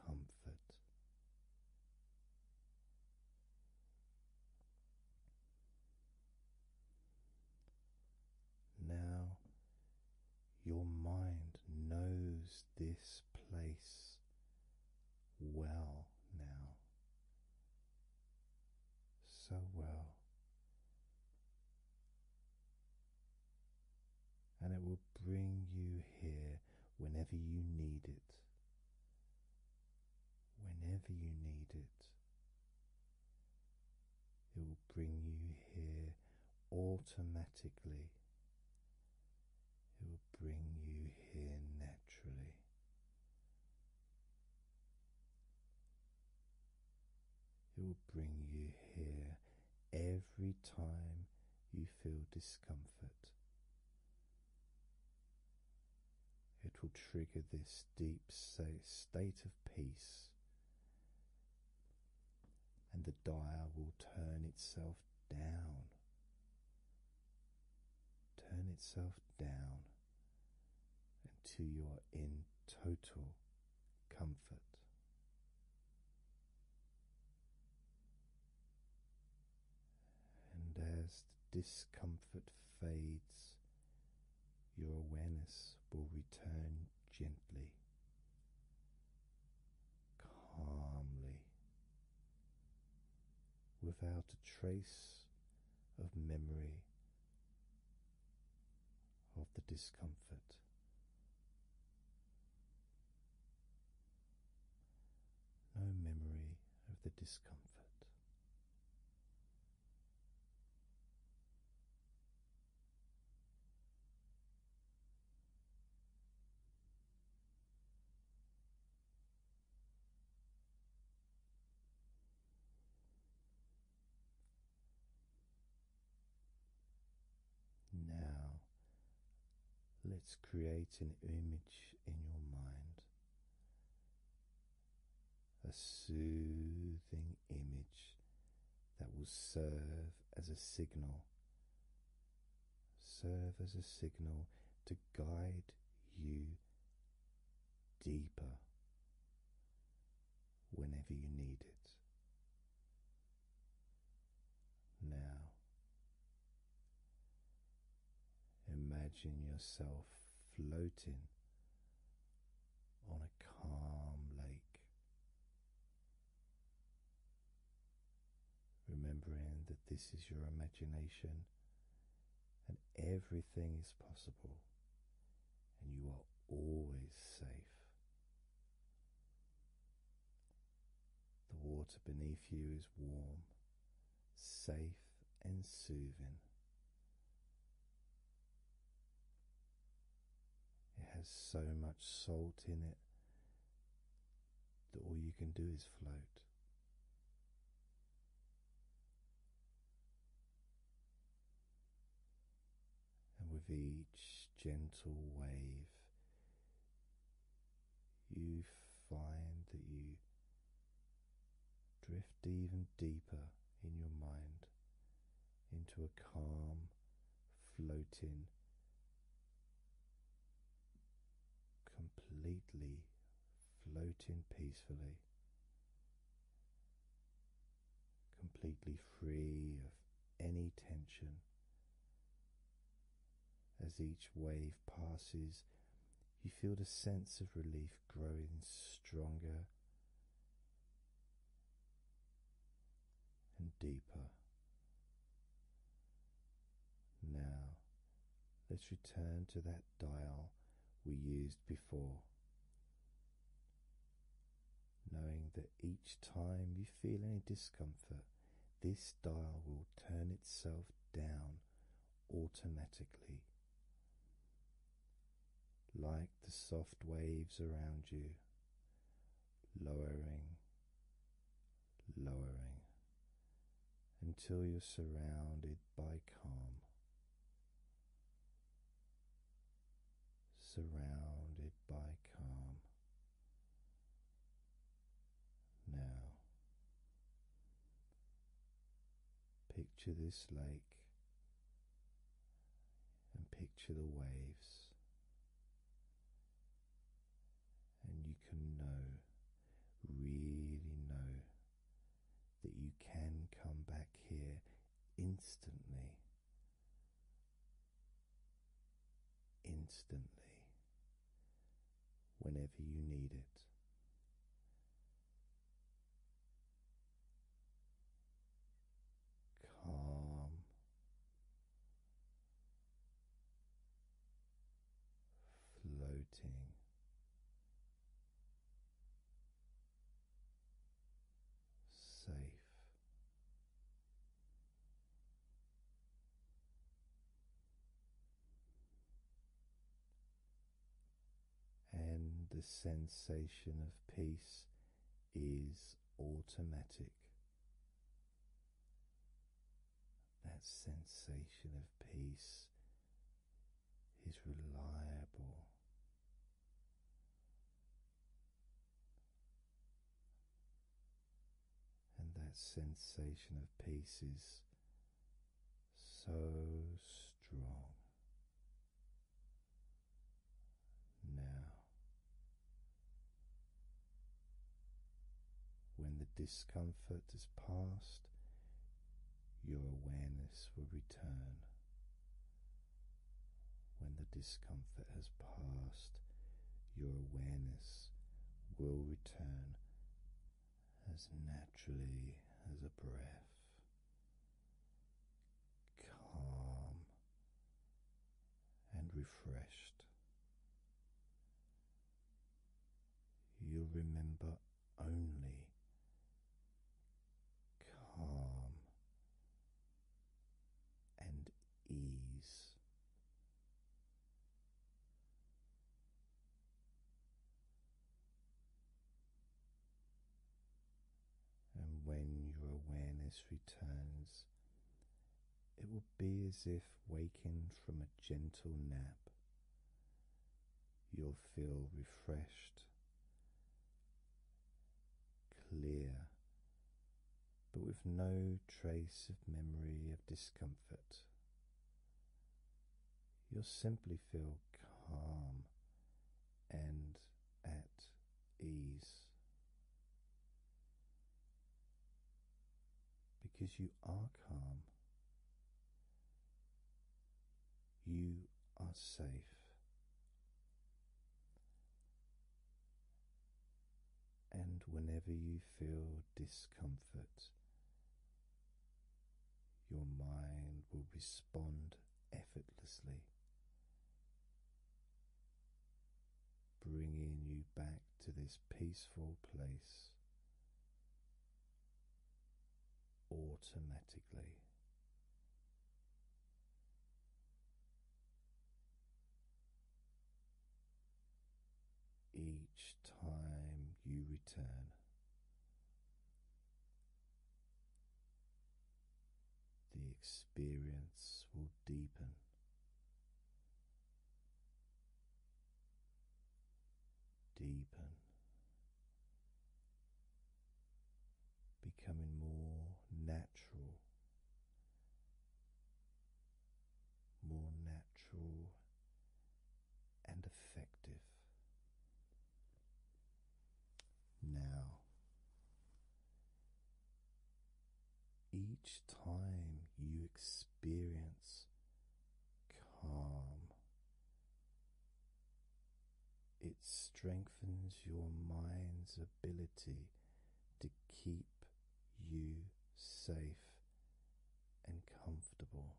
comfort. Now your mind knows this place well now, so well, and it will bring you here whenever you need it. Whenever you need it, it will bring you here automatically. It will bring you here naturally. It will bring you here every time you feel discomfort. It will trigger this deep state of peace and the dial will turn itself down. Turn itself down until you are in total comfort. And as discomfort fades your awareness will return gently, calmly, without a trace of memory of the discomfort. No memory of the discomfort. Now, let's create an image in your mind a soothing image that will serve as a signal. Serve as a signal to guide you deeper whenever you need it. Now, imagine yourself floating on a calm lake. Remembering that this is your imagination and everything is possible, and you are always safe. The water beneath you is warm, safe, and soothing. It has so much salt in it that all you can do is float. And with each gentle wave, you find that you drift even deeper in your mind into a calm floating completely floating peacefully completely free of any tension as each wave passes you feel the sense of relief growing stronger and deeper. Now, let's return to that dial we used before. Knowing that each time you feel any discomfort, this dial will turn itself down automatically, like the soft waves around you lowering, lowering until you're surrounded by calm. Surrounded by calm. Now, picture this lake and picture the waves. And you can know, really know, that you can come back here instantly. Instantly, whenever you need it calm, floating. Safe, and the sensation of peace is automatic. That sensation of peace is reliable. And that sensation of peace is so strong. Now, when the discomfort is past, your awareness will return. When the discomfort has passed, your awareness will return as naturally as a breath, calm and refreshed. You'll remember only calm and ease. And when your awareness returns, it will be as if waking from a gentle nap. You'll feel refreshed, clear, but with no trace of memory of discomfort. You'll simply feel calm and at ease because you are calm, you are safe. And whenever you feel discomfort, your mind will respond effortlessly bringing you back to this peaceful place automatically. Each time you return, the experience will deepen deepen, becoming more natural, more natural and effective. Now each time you experience calm, it strengthens your mind's ability to keep you safe and comfortable.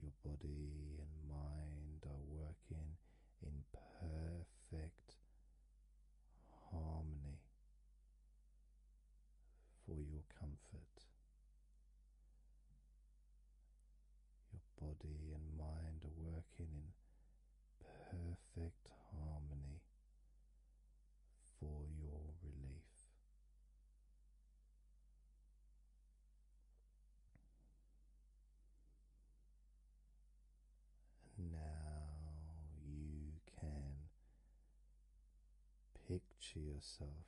Your body and mind are working in perfect harmony for your comfort. Your body and mind are working in perfect harmony for your relief now you can picture yourself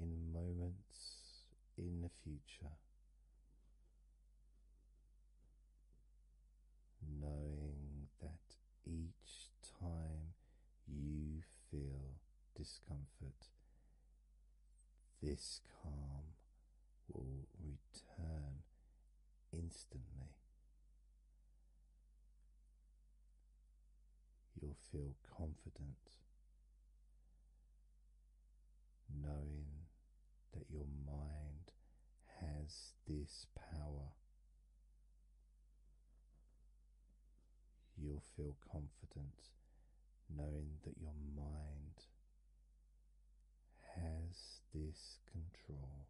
in moments in the future, knowing that each time you feel discomfort this calm will return instantly. You'll feel confident knowing that your mind has this power. You'll feel confident knowing that your mind has this control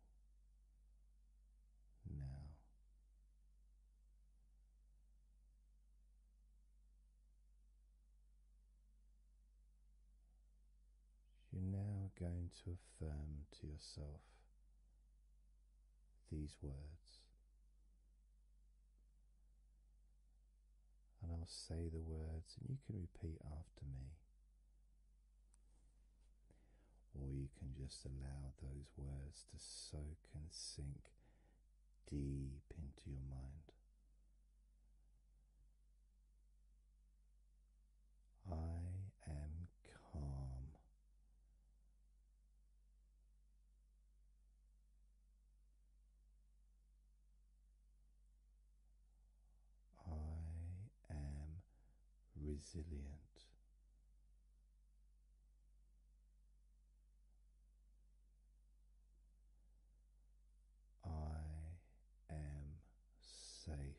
now. You're now going to affirm to yourself these words and I'll say the words, and you can repeat after me. Or you can just allow those words to soak and sink deep into your mind. I am calm. I am resilient. I am safe.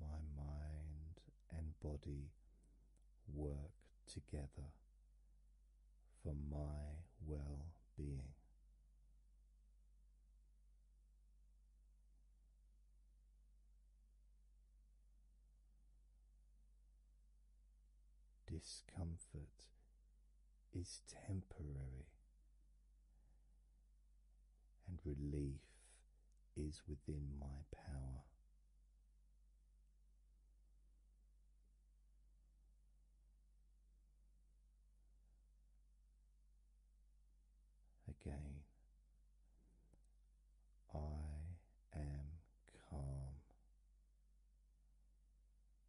My mind and body work together for my well being. Discomfort is temporary, and relief is within my power. Again, I am calm.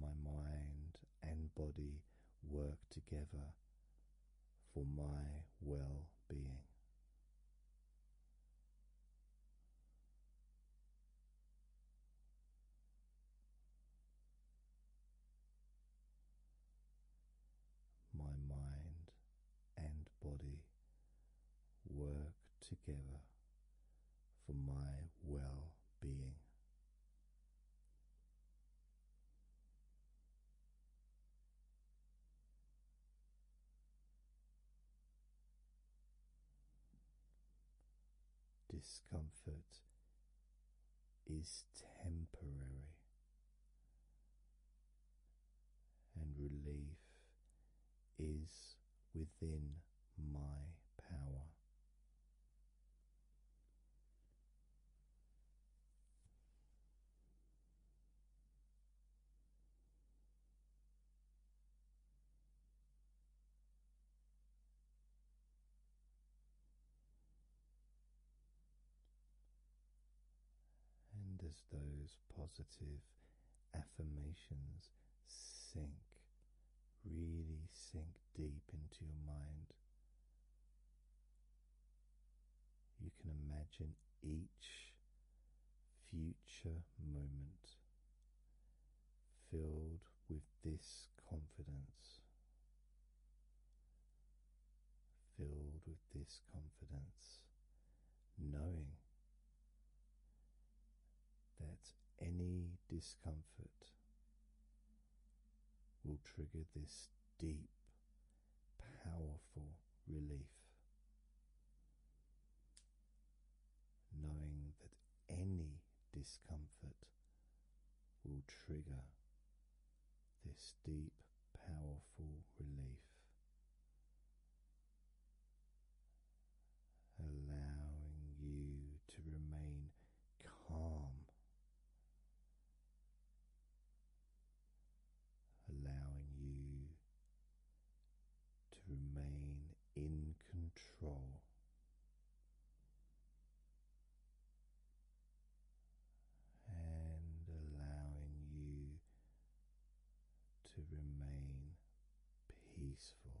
my mind and body work together for my well being. My mind and body work together for my well being. Discomfort is temporary, and relief is within my power. And as those positive affirmations sink really sink deep into your mind. You can imagine each future moment filled with this confidence. Filled with this confidence, knowing that any discomfort will trigger this deep, powerful relief. Knowing that any discomfort will trigger this deep, powerful relief. Allowing you to remain calm allowing you to remain in control. And allowing you to remain peaceful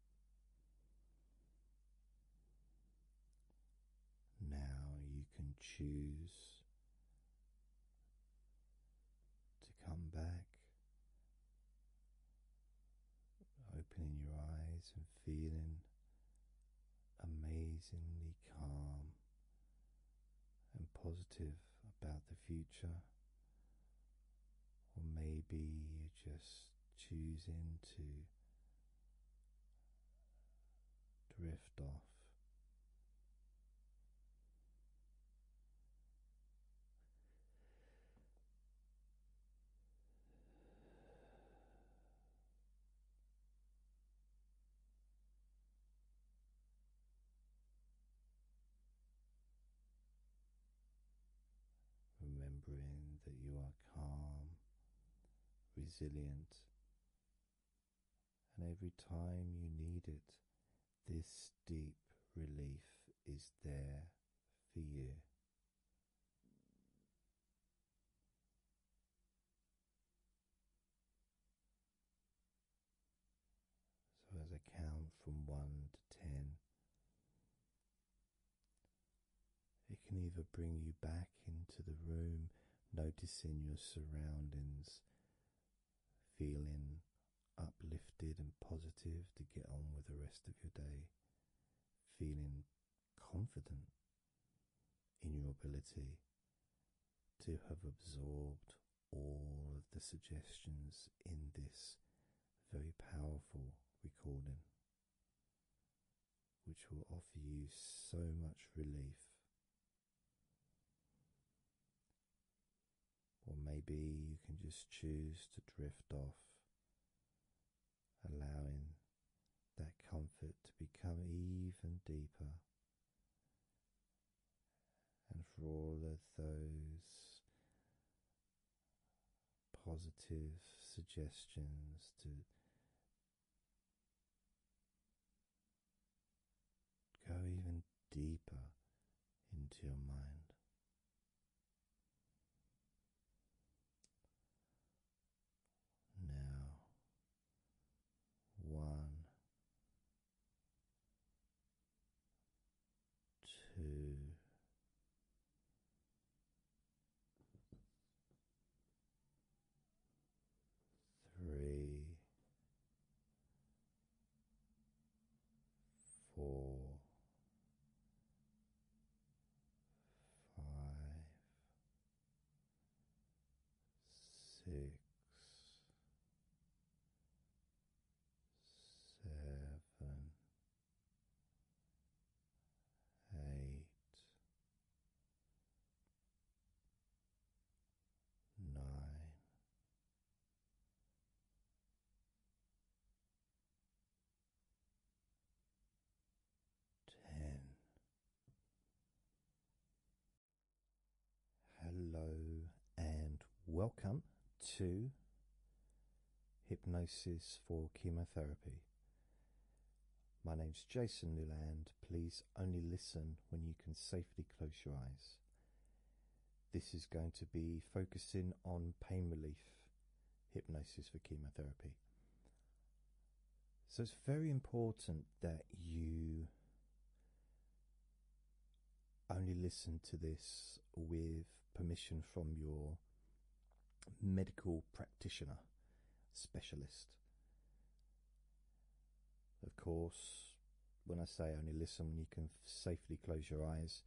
Now you can choose to come back, opening your eyes and feeling amazingly calm and positive about the future or maybe you're just choosing to drift off remembering that you are calm, resilient, and every time you need it, this deep relief is there for you. So, as I count from one to ten, it can either bring you back into the room, noticing your surroundings, feeling uplifted and positive to get on with the rest of your day, feeling confident in your ability to have absorbed all of the suggestions in this very powerful recording which will offer you so much relief. Or maybe you can just choose to drift off, allowing that comfort to become even deeper. And for all of those positive suggestions to go even deeper into your mind. Now, one Two, three, four, five, six, seven eight, nine, ten. Hello and welcome to hypnosis for chemotherapy. My name is Jason Newland. Please only listen when you can safely close your eyes. This is going to be focusing on pain relief hypnosis for chemotherapy. So it's very important that you only listen to this with permission from your medical practitioner specialist. Of course, when I say only listen when you can safely close your eyes,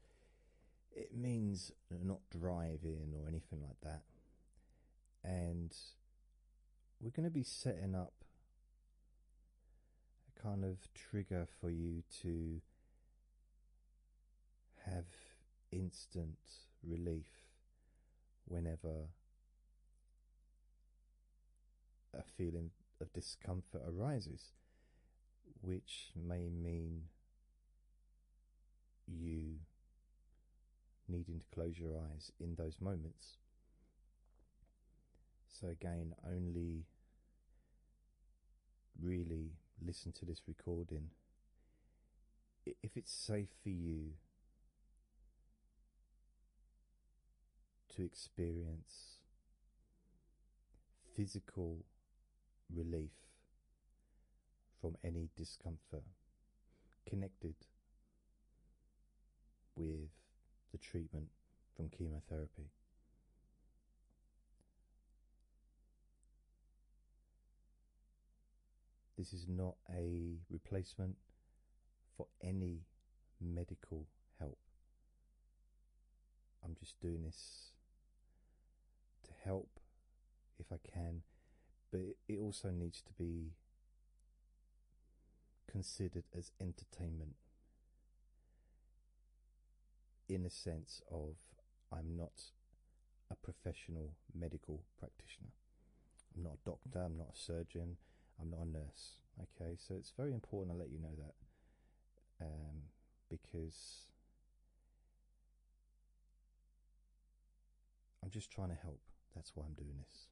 it means not driving or anything like that. And we're going to be setting up a kind of trigger for you to have instant relief whenever a feeling of discomfort arises, which may mean you needing to close your eyes in those moments. So, again, only really listen to this recording if it's safe for you to experience physical relief from any discomfort connected with the treatment from chemotherapy. This is not a replacement for any medical help. I'm just doing this to help if I can, but it also needs to be considered as entertainment in a sense of I'm not a professional medical practitioner. I'm not a doctor, I'm not a surgeon, I'm not a nurse. Okay, so it's very important I let you know that um, because I'm just trying to help. That's why I'm doing this.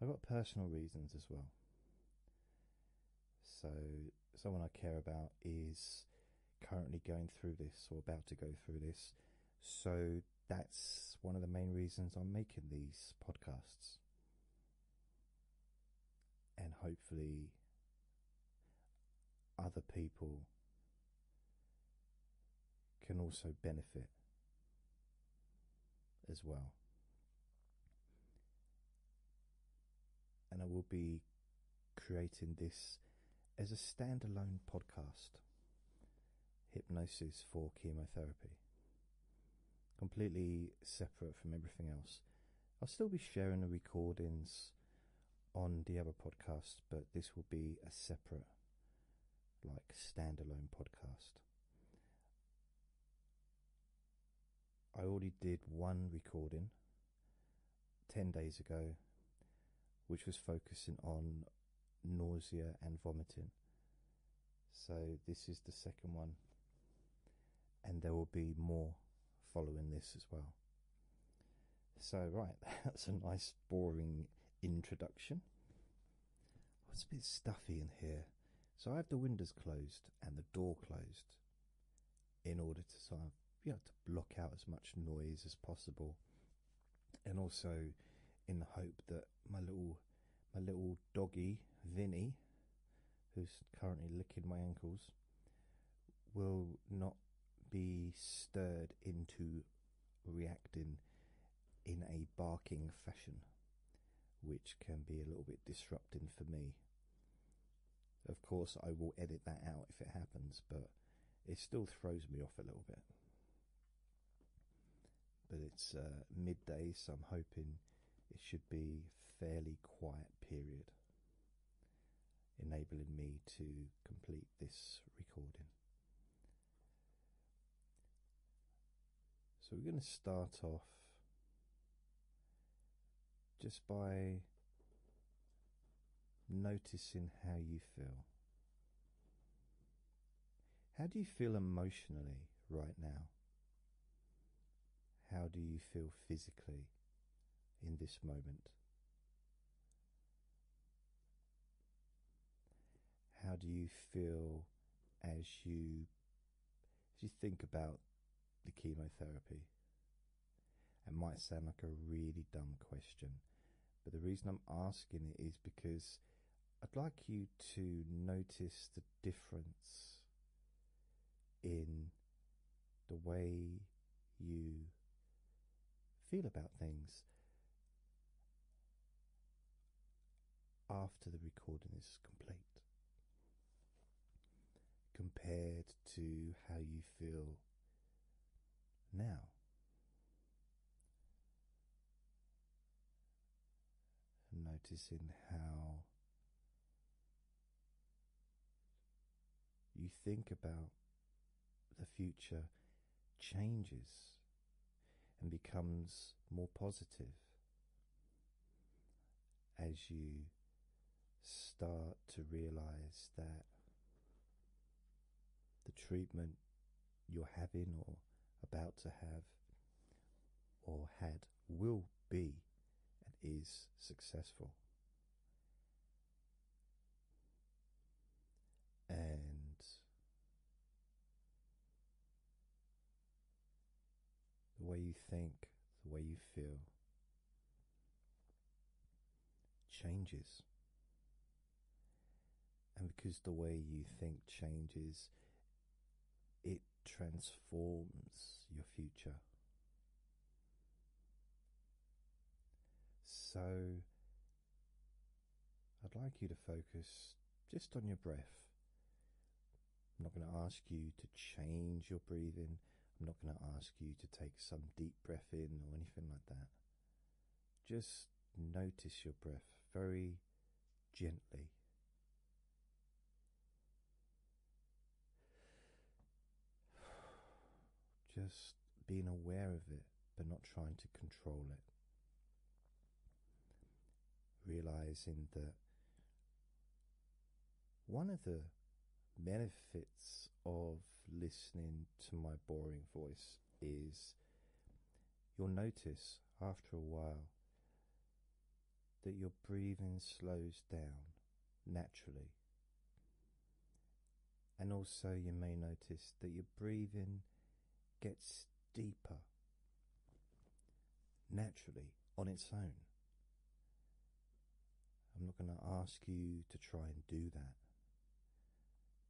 I've got personal reasons as well. So, someone I care about is currently going through this or about to go through this. So that's one of the main reasons I'm making these podcasts. And hopefully, other people can also benefit as well. And I will be creating this as a standalone podcast hypnosis for chemotherapy. Completely separate from everything else. I'll still be sharing the recordings on the other podcast, but this will be a separate, like, standalone podcast. I already did one recording 10 days ago, which was focusing on nausea and vomiting. So, this is the second one, and there will be more following this as well. So, right, that's a nice, boring introduction. it's a bit stuffy in here, so I have the windows closed and the door closed in order to sort of, you know, to block out as much noise as possible and also in the hope that my little my little doggy Vinny, who's currently licking my ankles, will not be stirred into reacting in a barking fashion, which can be a little bit disrupting for me. Of course, I will edit that out if it happens, but it still throws me off a little bit. But it's uh, midday, so I'm hoping it should be fairly quiet period, enabling me to complete this recording. So we're going to start off just by noticing how you feel. How do you feel emotionally right now? How do you feel physically in this moment? How do you feel as you as you think about the chemotherapy? It might sound like a really dumb question, but the reason I'm asking it is because I'd like you to notice the difference in the way you feel about things after the recording is complete compared to how you feel now noticing how you think about the future changes and becomes more positive as you start to realize that the treatment you're having or about to have or had will be and is successful. And the way you think, the way you feel changes and because the way you think changes, it transforms your future. So, I'd like you to focus just on your breath. I'm not going to ask you to change your breathing. I'm not going to ask you to take some deep breath in or anything like that. Just notice your breath very gently. Just being aware of it, but not trying to control it. Realizing that one of the benefits of listening to my boring voice is you'll notice after a while that your breathing slows down naturally. And also, you may notice that your breathing gets deeper naturally on its own. I'm not going to ask you to try and do that.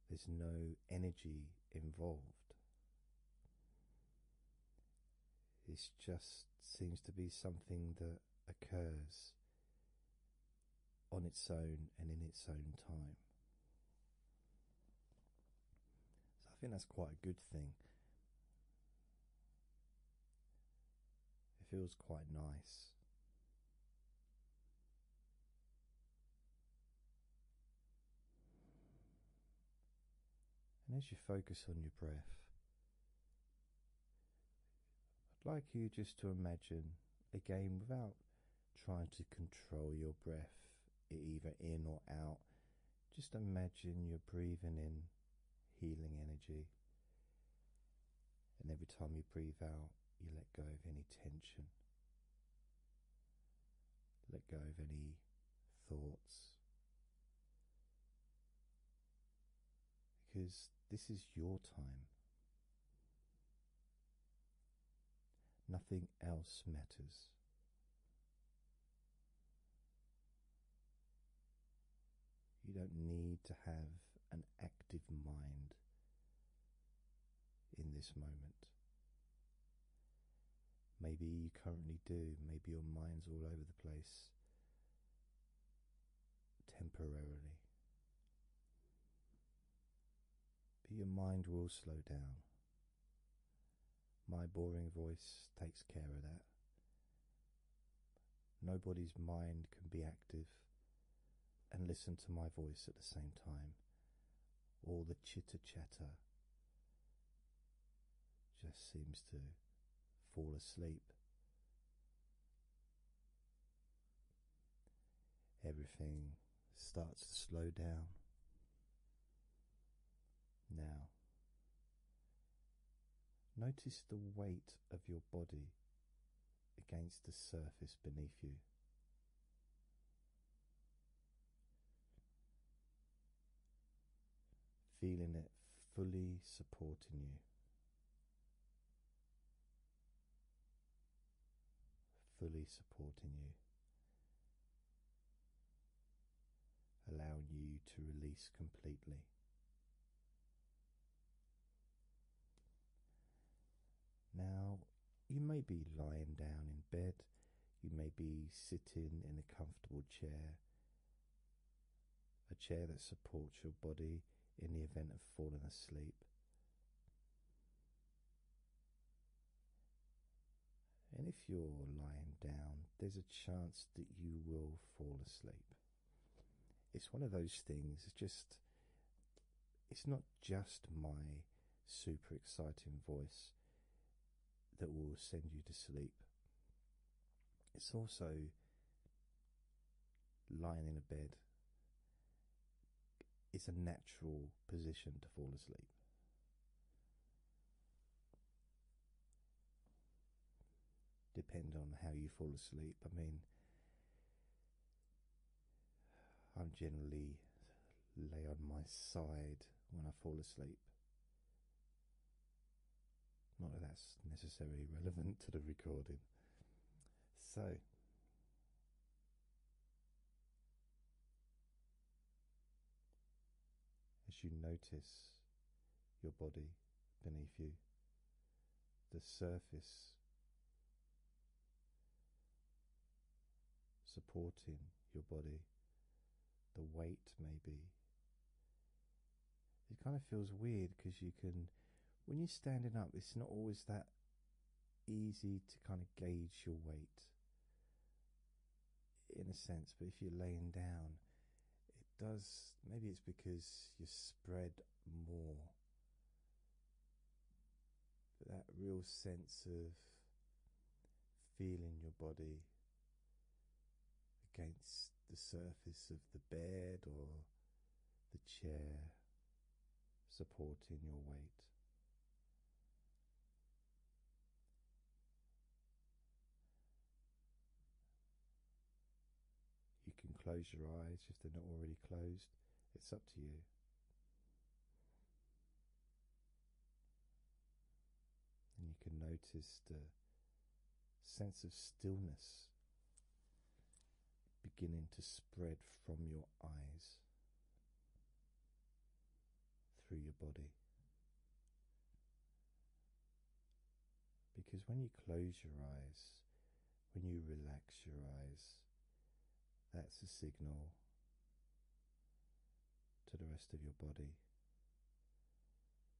There's no energy involved. It just seems to be something that occurs on its own and in its own time. So I think that's quite a good thing. It feels quite nice. And as you focus on your breath, I'd like you just to imagine again without trying to control your breath either in or out. Just imagine you're breathing in healing energy, and every time you breathe out, you let go of any tension. Let go of any thoughts because this is your time. Nothing else matters. You don't need to have an active mind in this moment. Maybe you currently do, maybe your mind's all over the place temporarily. But your mind will slow down. My boring voice takes care of that. Nobody's mind can be active and listen to my voice at the same time all the chitter chatter just seems to fall asleep. Everything starts to slow down. Now, notice the weight of your body against the surface beneath you. Feeling it fully supporting you, fully supporting you, allowing you to release completely. Now, you may be lying down in bed, you may be sitting in a comfortable chair, a chair that supports your body in the event of falling asleep. And if you're lying down, there's a chance that you will fall asleep. It's one of those things, it's just, it's not just my super exciting voice, that will send you to sleep. It's also lying in a bed. It's a natural position to fall asleep. Depend on how you fall asleep. I mean, I'm generally lay on my side when I fall asleep. Not that that's necessarily relevant to the recording. So, as you notice your body beneath you, the surface supporting your body, the weight maybe. It kind of feels weird because you can, when you're standing up, it's not always that easy to kind of gauge your weight in a sense, but if you're laying down, it does. Maybe it's because you're spread more that real sense of feeling your body against the surface of the bed or the chair supporting your weight. You can close your eyes if they're not already closed, it's up to you. And you can notice the sense of stillness beginning to spread from your eyes through your body. Because when you close your eyes, when you relax your eyes, that's a signal to the rest of your body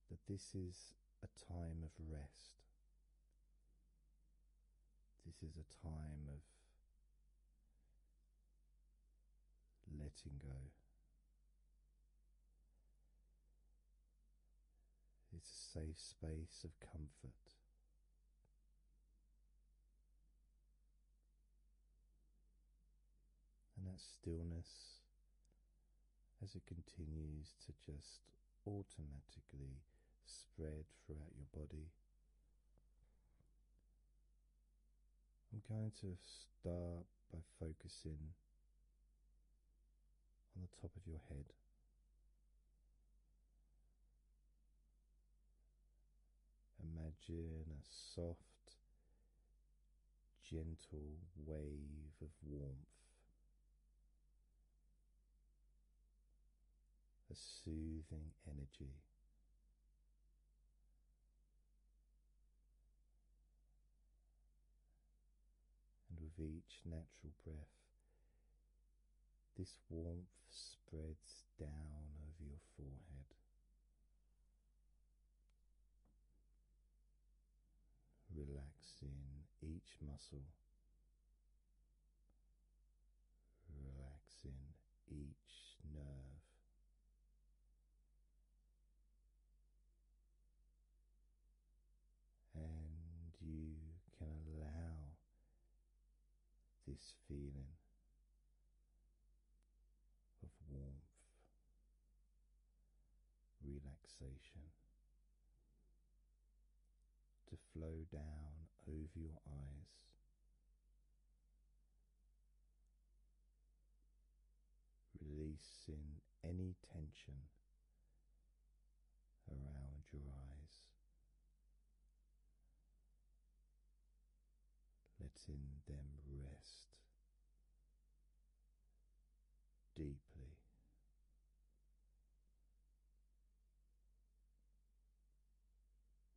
that this is a time of rest. This is a time of letting go. It's a safe space of comfort and that stillness as it continues to just automatically spread throughout your body. I'm going to start by focusing on the top of your head. Imagine a soft gentle wave of warmth, a soothing energy. And with each natural breath, this warmth spreads down over your forehead, relaxing each muscle, relaxing each nerve. And you can allow this feeling of warmth, relaxation to flow down over your eyes. Releasing any tension around your eyes, letting them rest deeply.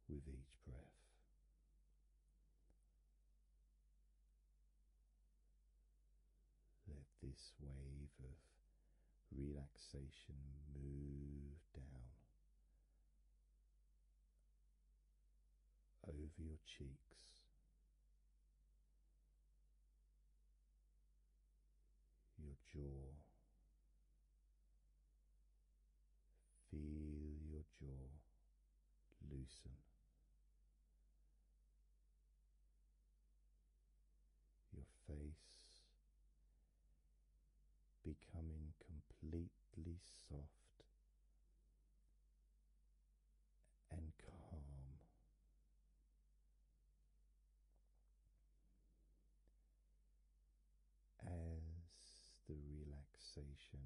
With each breath, let this wave of relaxation move down over your cheeks, your jaw. Feel your jaw loosen. Your face becoming completely soft and calm. As the relaxation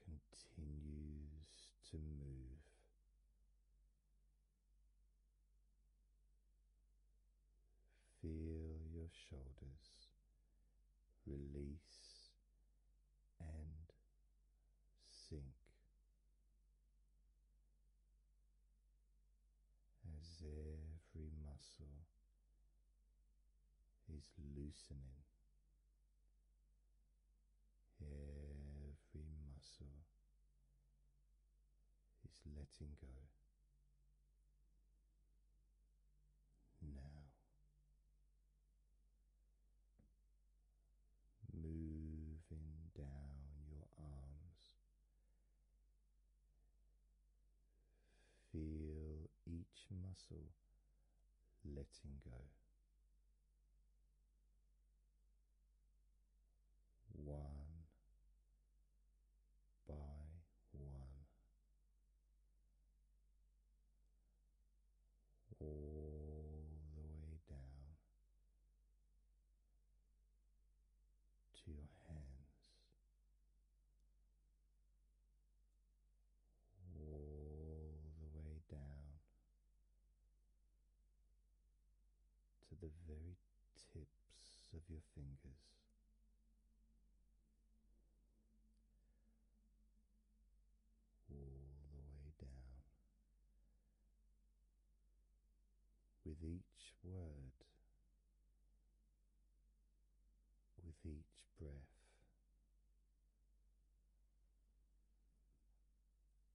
continues to move, feel your shoulders release and sink as every muscle is loosening. Every muscle is letting go now moving down your arms. Feel each muscle letting go. One by one, all the way down to your hands, all the way down to the very tips of your fingers all the way down. With each word, with each breath,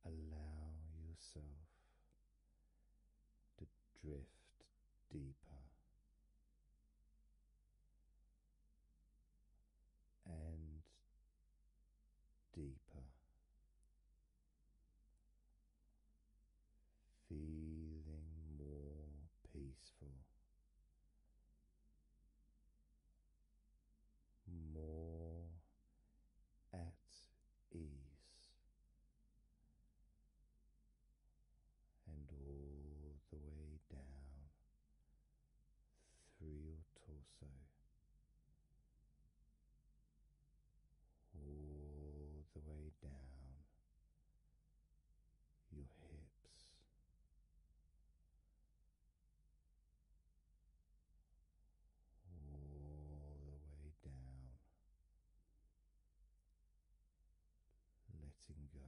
allow yourself to drift deeper and deeper, feeling more peaceful, more at ease. And all the way down through your torso, all the way down your hips. All the way down, letting go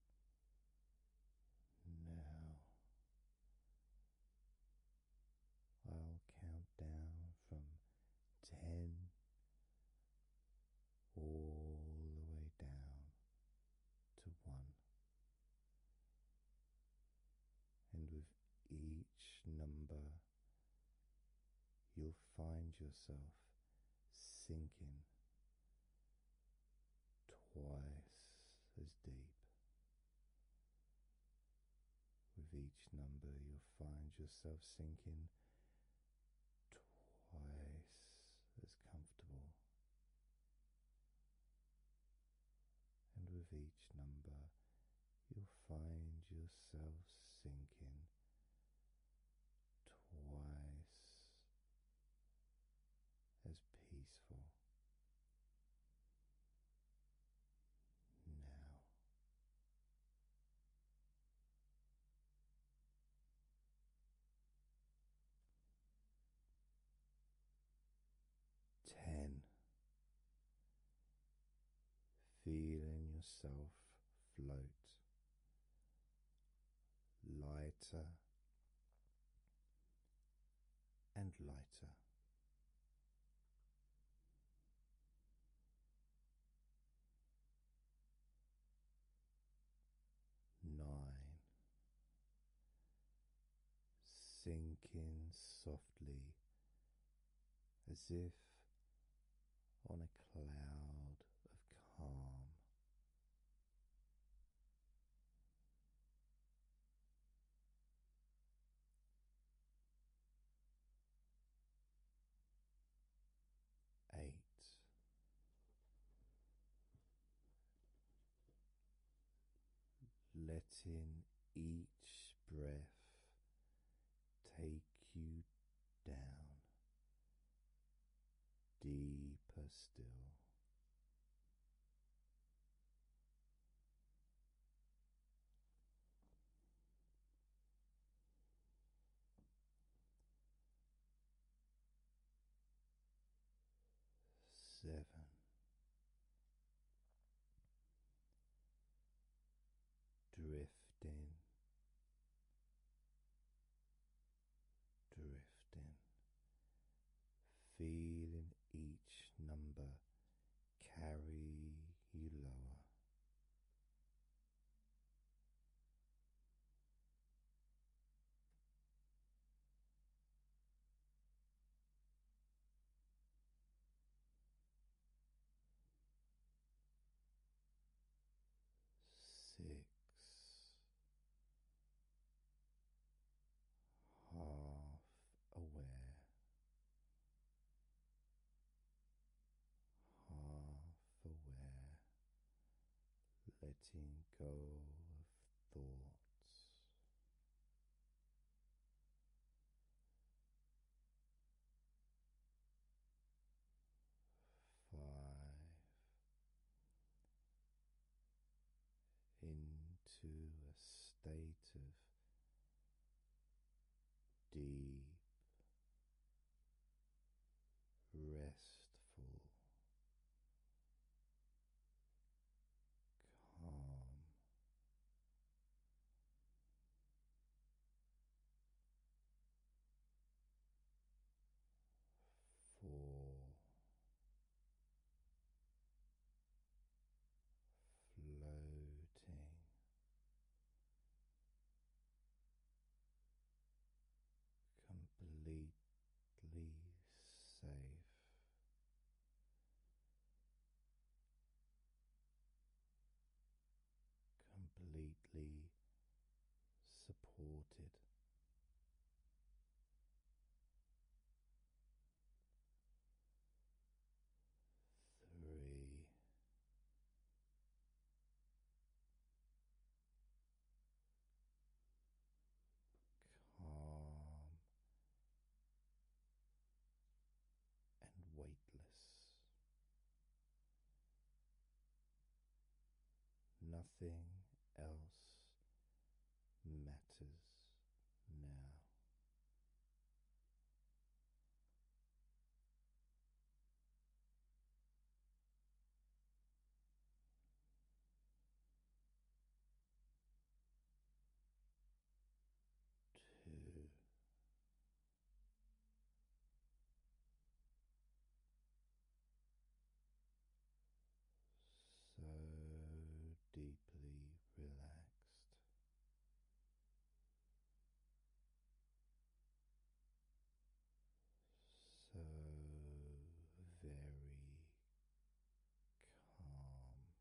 Now I'll count down from ten all the way down to one, and with each number, you'll find yourself sinking twice as deep. With each number, you'll find yourself sinking twice as comfortable. And with each number, you'll find yourself sinking twice as peaceful now. Ten, feeling yourself float lighter and lighter. Nine, sinking softly as if on a cloud of calm Eight, letting each breath take you down deeper still seven, drifting, drifting feeling each number carry you lower. Six, half aware, half aware, letting go of thoughts. Five into a state of deep, restful, calm. Four, floating. Completely safe, completely supported, three. Calm and weightless, nothing else matters now. Two so deeply relaxed. So very calm, one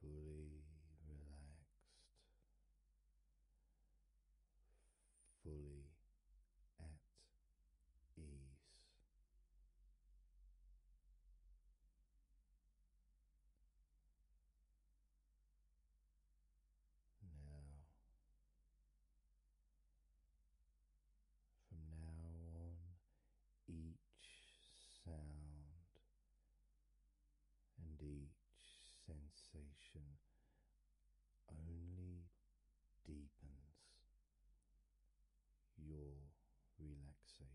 fully relaxed, fully at ease. Now From now on, each sound and each sensation only deepens your relaxation.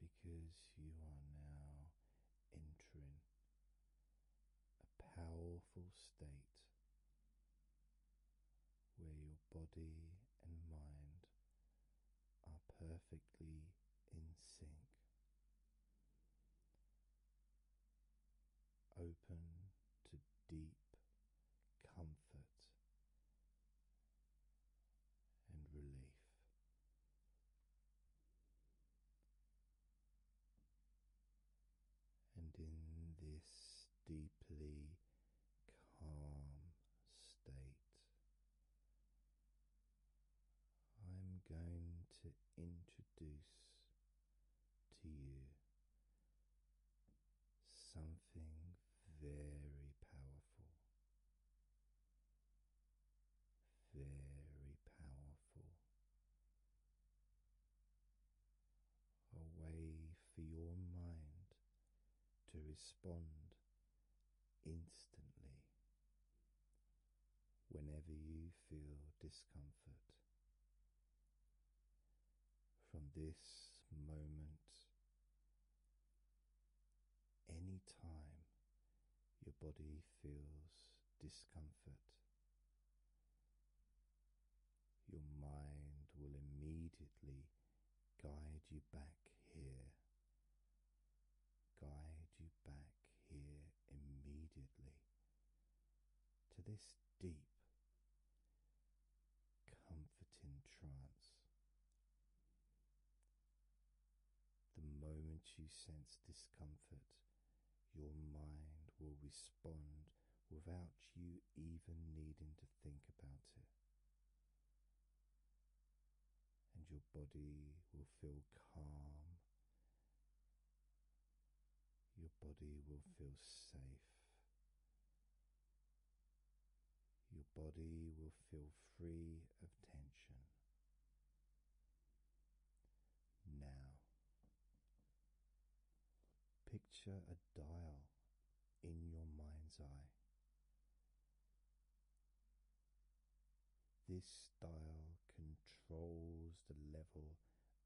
Because you are now entering powerful state where your body and mind are perfectly in sync. Open to deep comfort and relief and in this deeply calm state, I'm going to introduce to you something very powerful. Very powerful a way for your mind to respond instantly whenever you feel discomfort. From this moment, any time your body feels discomfort, your mind will immediately guide you back here, guide you back here immediately to this deep, comforting trance. The moment you sense discomfort, your mind will respond without you even needing to think about it. And your body will feel calm. Your body will feel safe. Your body will feel free of tension. Now Picture a dial in your mind's eye. This dial controls the level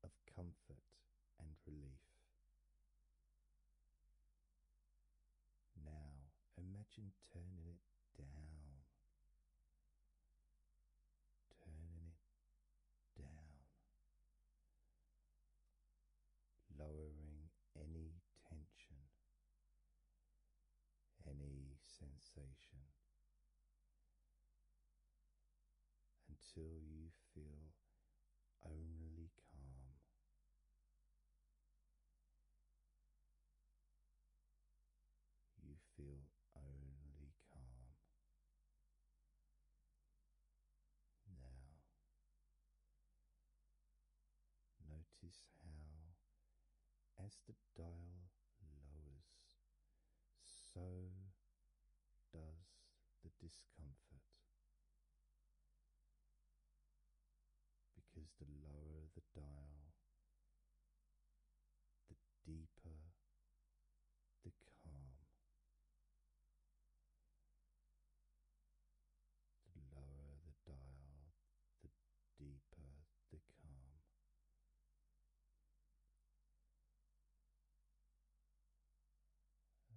of comfort and relief. Now imagine turning it down, turning it down, lowering any tension, any sensation until you feel only calm. You feel only calm. Now, notice how, as the dial lowers, so does the discomfort. Because the lower the dial, the deeper the calm. The lower the dial, the deeper the calm.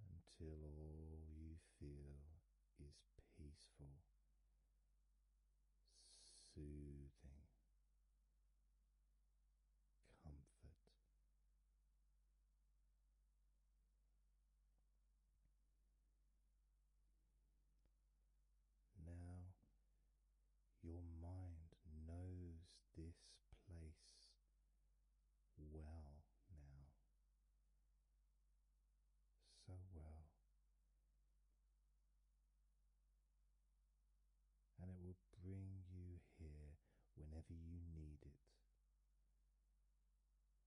Until all you feel is peaceful, soothing, comfort. Now your mind knows this place well now, so well, and it will bring you here whenever you need it.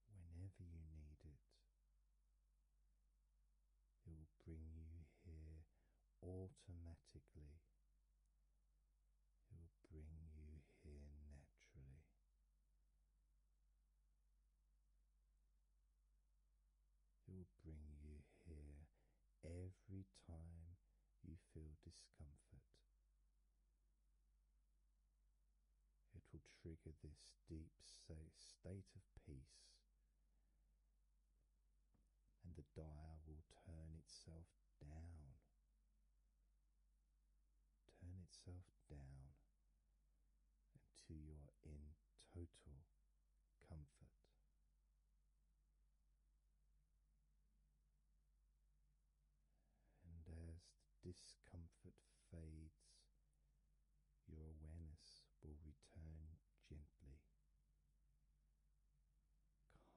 Whenever you need it, it will bring you here automatically. It will bring you here naturally. It will bring you here every time you feel discomfort. It will trigger this deep state of peace, and the dial will turn itself down. Turn itself down until you are in total comfort. And as the discomfort fades, your awareness will return gently,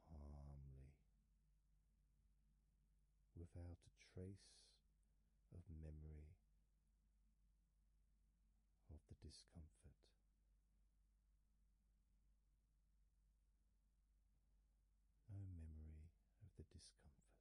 calmly, without a trace of memory of the discomfort no memory of the discomfort.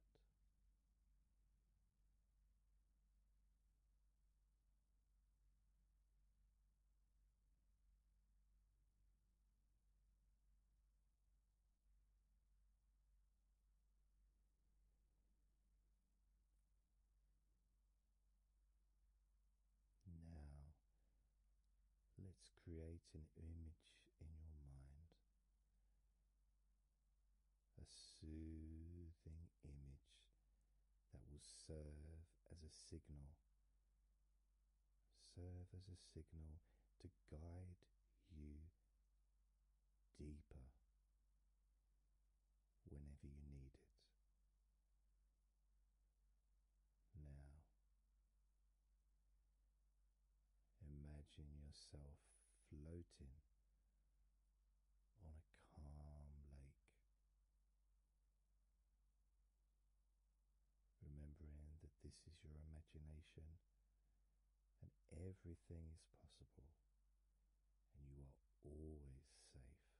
Now Let's create an image in your mind, a soothing image that will serve as a signal, serve as a signal to guide you deeper whenever you need it. Now, Imagine yourself floating on a calm lake, remembering that this is your imagination and everything is possible, and you are always safe.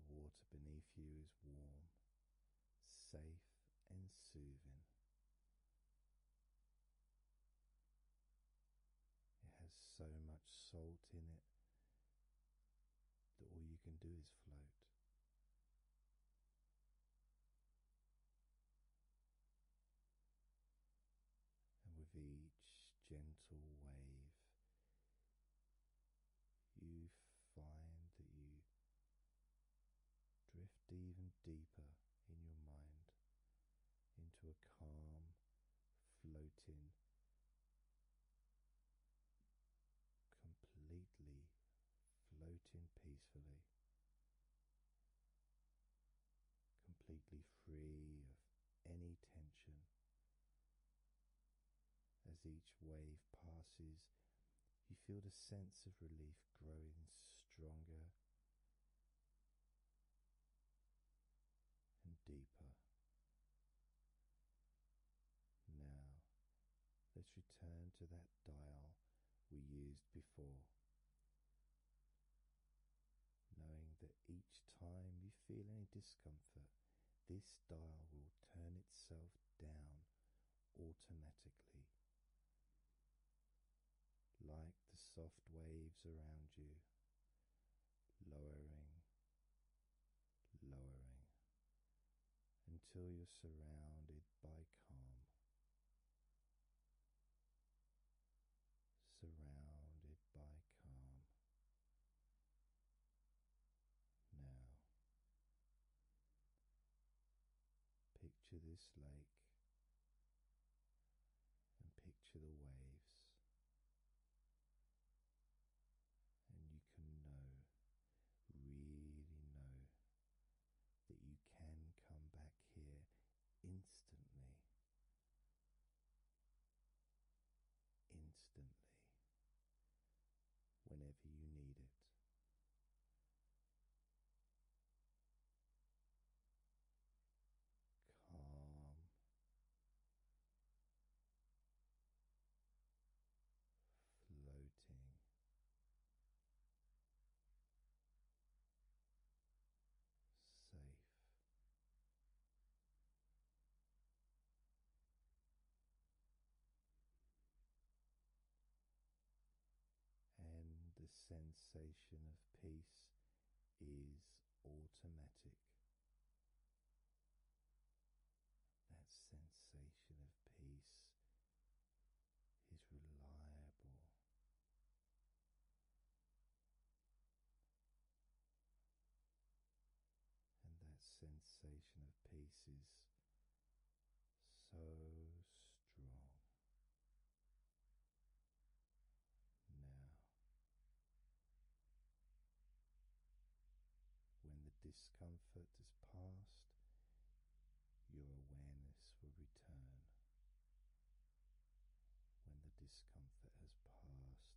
The water beneath you is warm safe and soothing. It has so much salt in it that all you can do is float. And with each gentle wave, you find that you drift even deeper in your mind into a calm, floating, completely floating peacefully, completely free of any tension. As each wave passes, you feel the sense of relief growing stronger and deeper. Now, let's return to that dial we used before. Knowing that each time you feel any discomfort, this dial will turn itself down automatically, like the soft waves around you, lowering, lowering until you're surrounded by calm. Surrounded by calm, now, picture this lake and picture the waves, and you can know, really know, that you can come back here instantly. Instantly, whenever you need it. Calm, floating. Safe and the sensation of peace is automatic. That sensation of peace is reliable. And that sensation of peace is so strong now. When the discomfort is past, your awareness will return. When the discomfort has passed,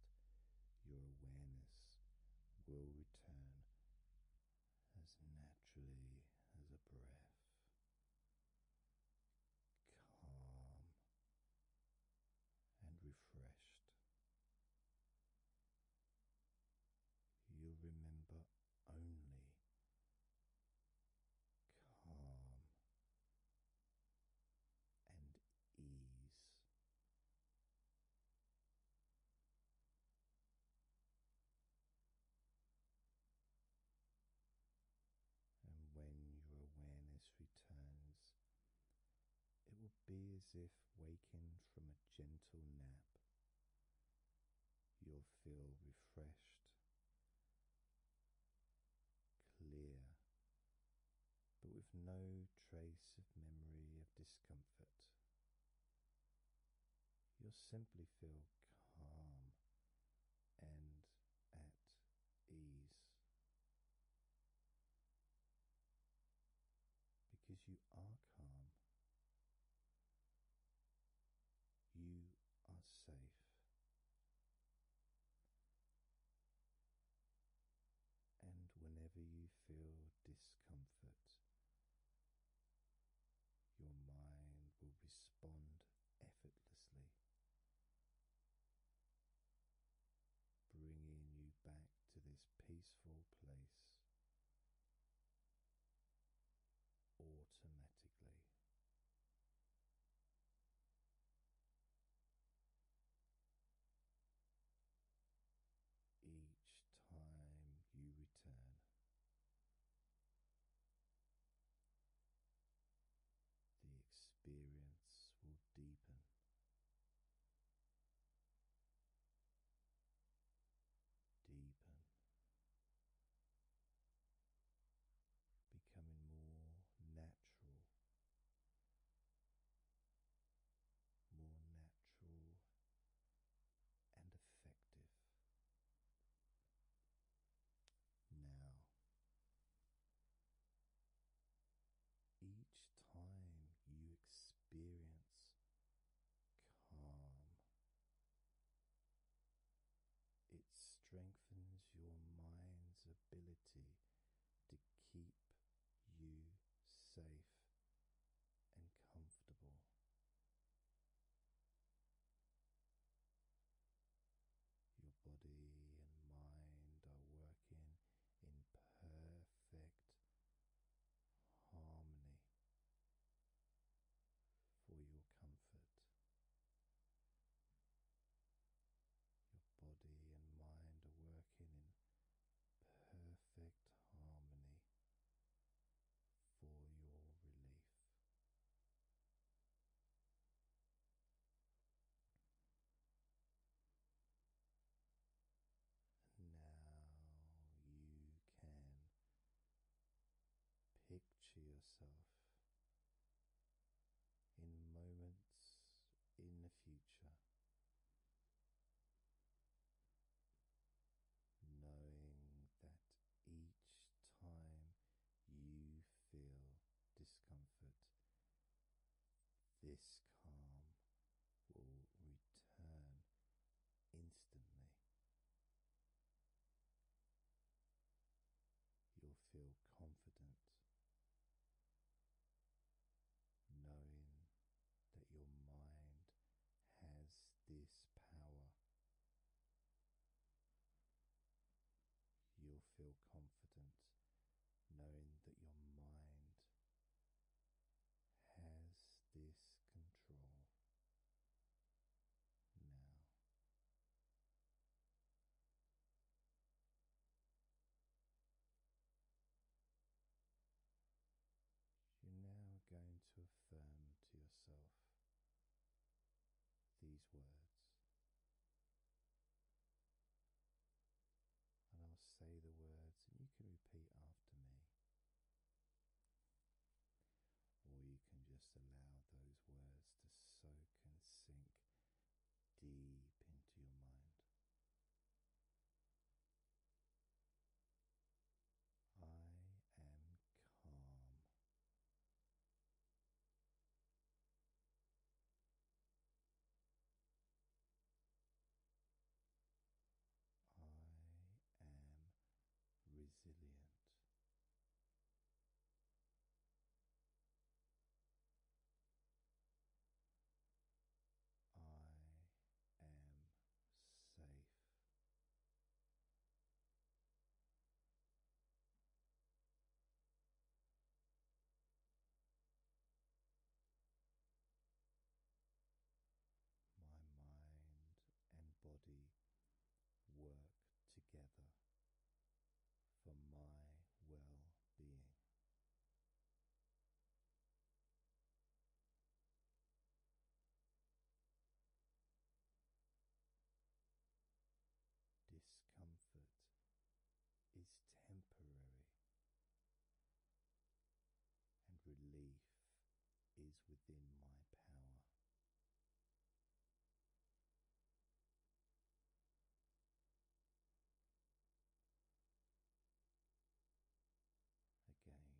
your awareness will return as naturally as a breath, calm and refreshed. You'll remember only calm and ease. And when your awareness returns, it will be as if waking from a gentle nap. You'll feel refreshed, clear, but with no trace of memory of discomfort. You'll simply feel calm and at ease because you are calm, you are safe. And whenever you feel discomfort your mind will respond effortlessly, bringing you back to this peaceful place automatically. Each time you return, the experience will deepen. Deepen, becoming more natural, more natural and effective. Now, each time you experience calm, it strengthens your mind's ability to keep you safe and comfortable. Your body and mind are working in perfect harmony for your comfort. Your body and mind are working in perfect harmony for your relief. now you can picture yourself in moments in the future knowing that each time you feel discomfort, this calm will return instantly. You'll feel confident knowing that your mind has this power You'll feel confident knowing that your mind has this control now. You're now going to affirm to yourself these words. And I'll say the words, and you can repeat after me. Or you can just allow those words to soak and sink deep into your mind. I am calm. I am resilient. I am safe. My mind and body work together for my well being. Discomfort is temporary, and relief is within my power. Again,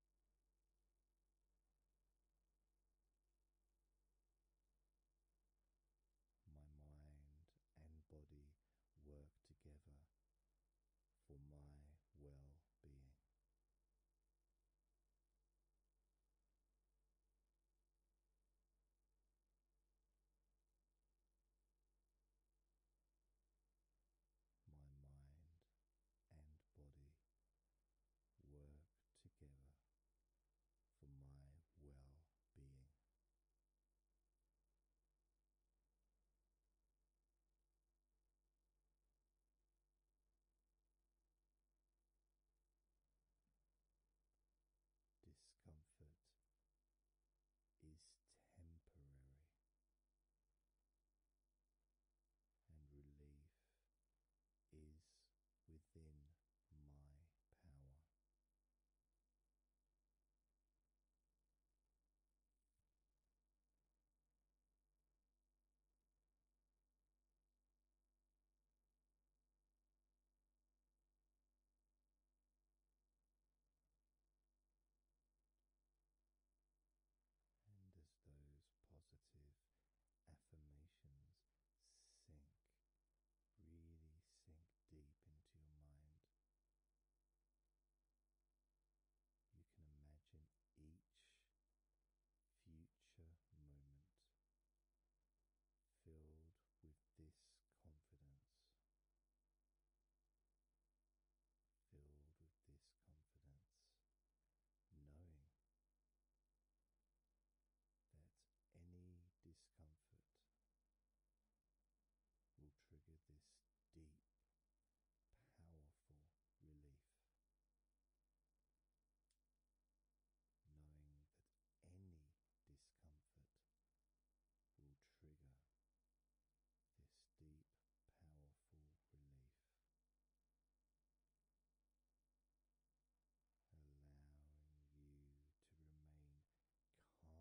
My mind and body work together for my well being. My mind and body work together for my well being. Discomfort is temporary, and relief is within my power and as those positive affirmations sink, really sink deep into your mind, you can imagine each future moment filled with this confidence. Filled with this confidence, knowing that any discomfort will trigger this deep, powerful relief. Knowing that any discomfort will trigger this deep, powerful relief allowing you to remain calm, allowing you to remain in control. And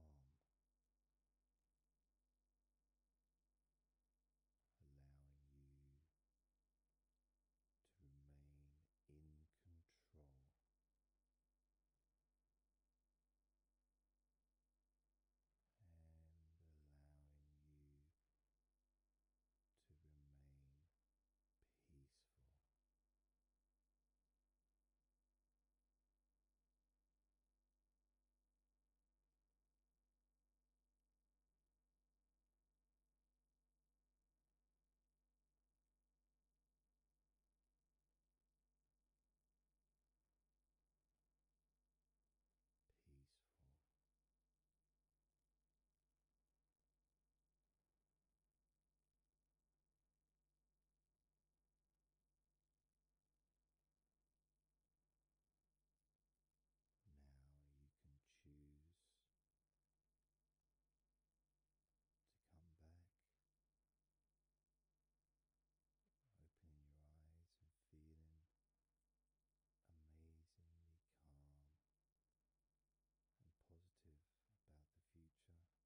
allowing you to remain peaceful. Peaceful, now you can choose to come back, opening your eyes and feeling amazingly calm and positive about the future, or maybe just choose to drift off.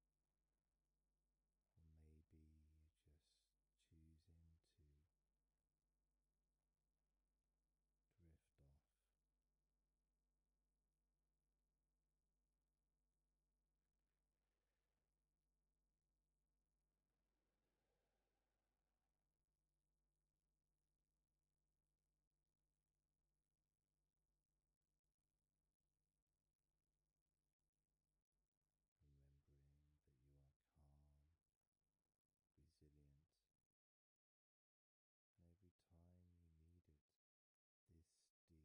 Remembering that you are calm, resilient, and every time you need it, this deep relief is there for you.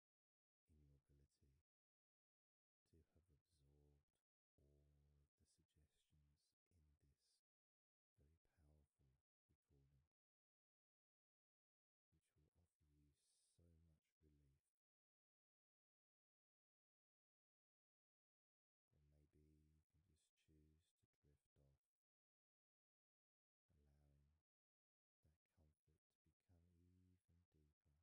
in your ability to have absorbed all of the suggestions in this very powerful recording, which will offer you so much relief. Then maybe you can just choose to drift off, allowing that comfort to become even deeper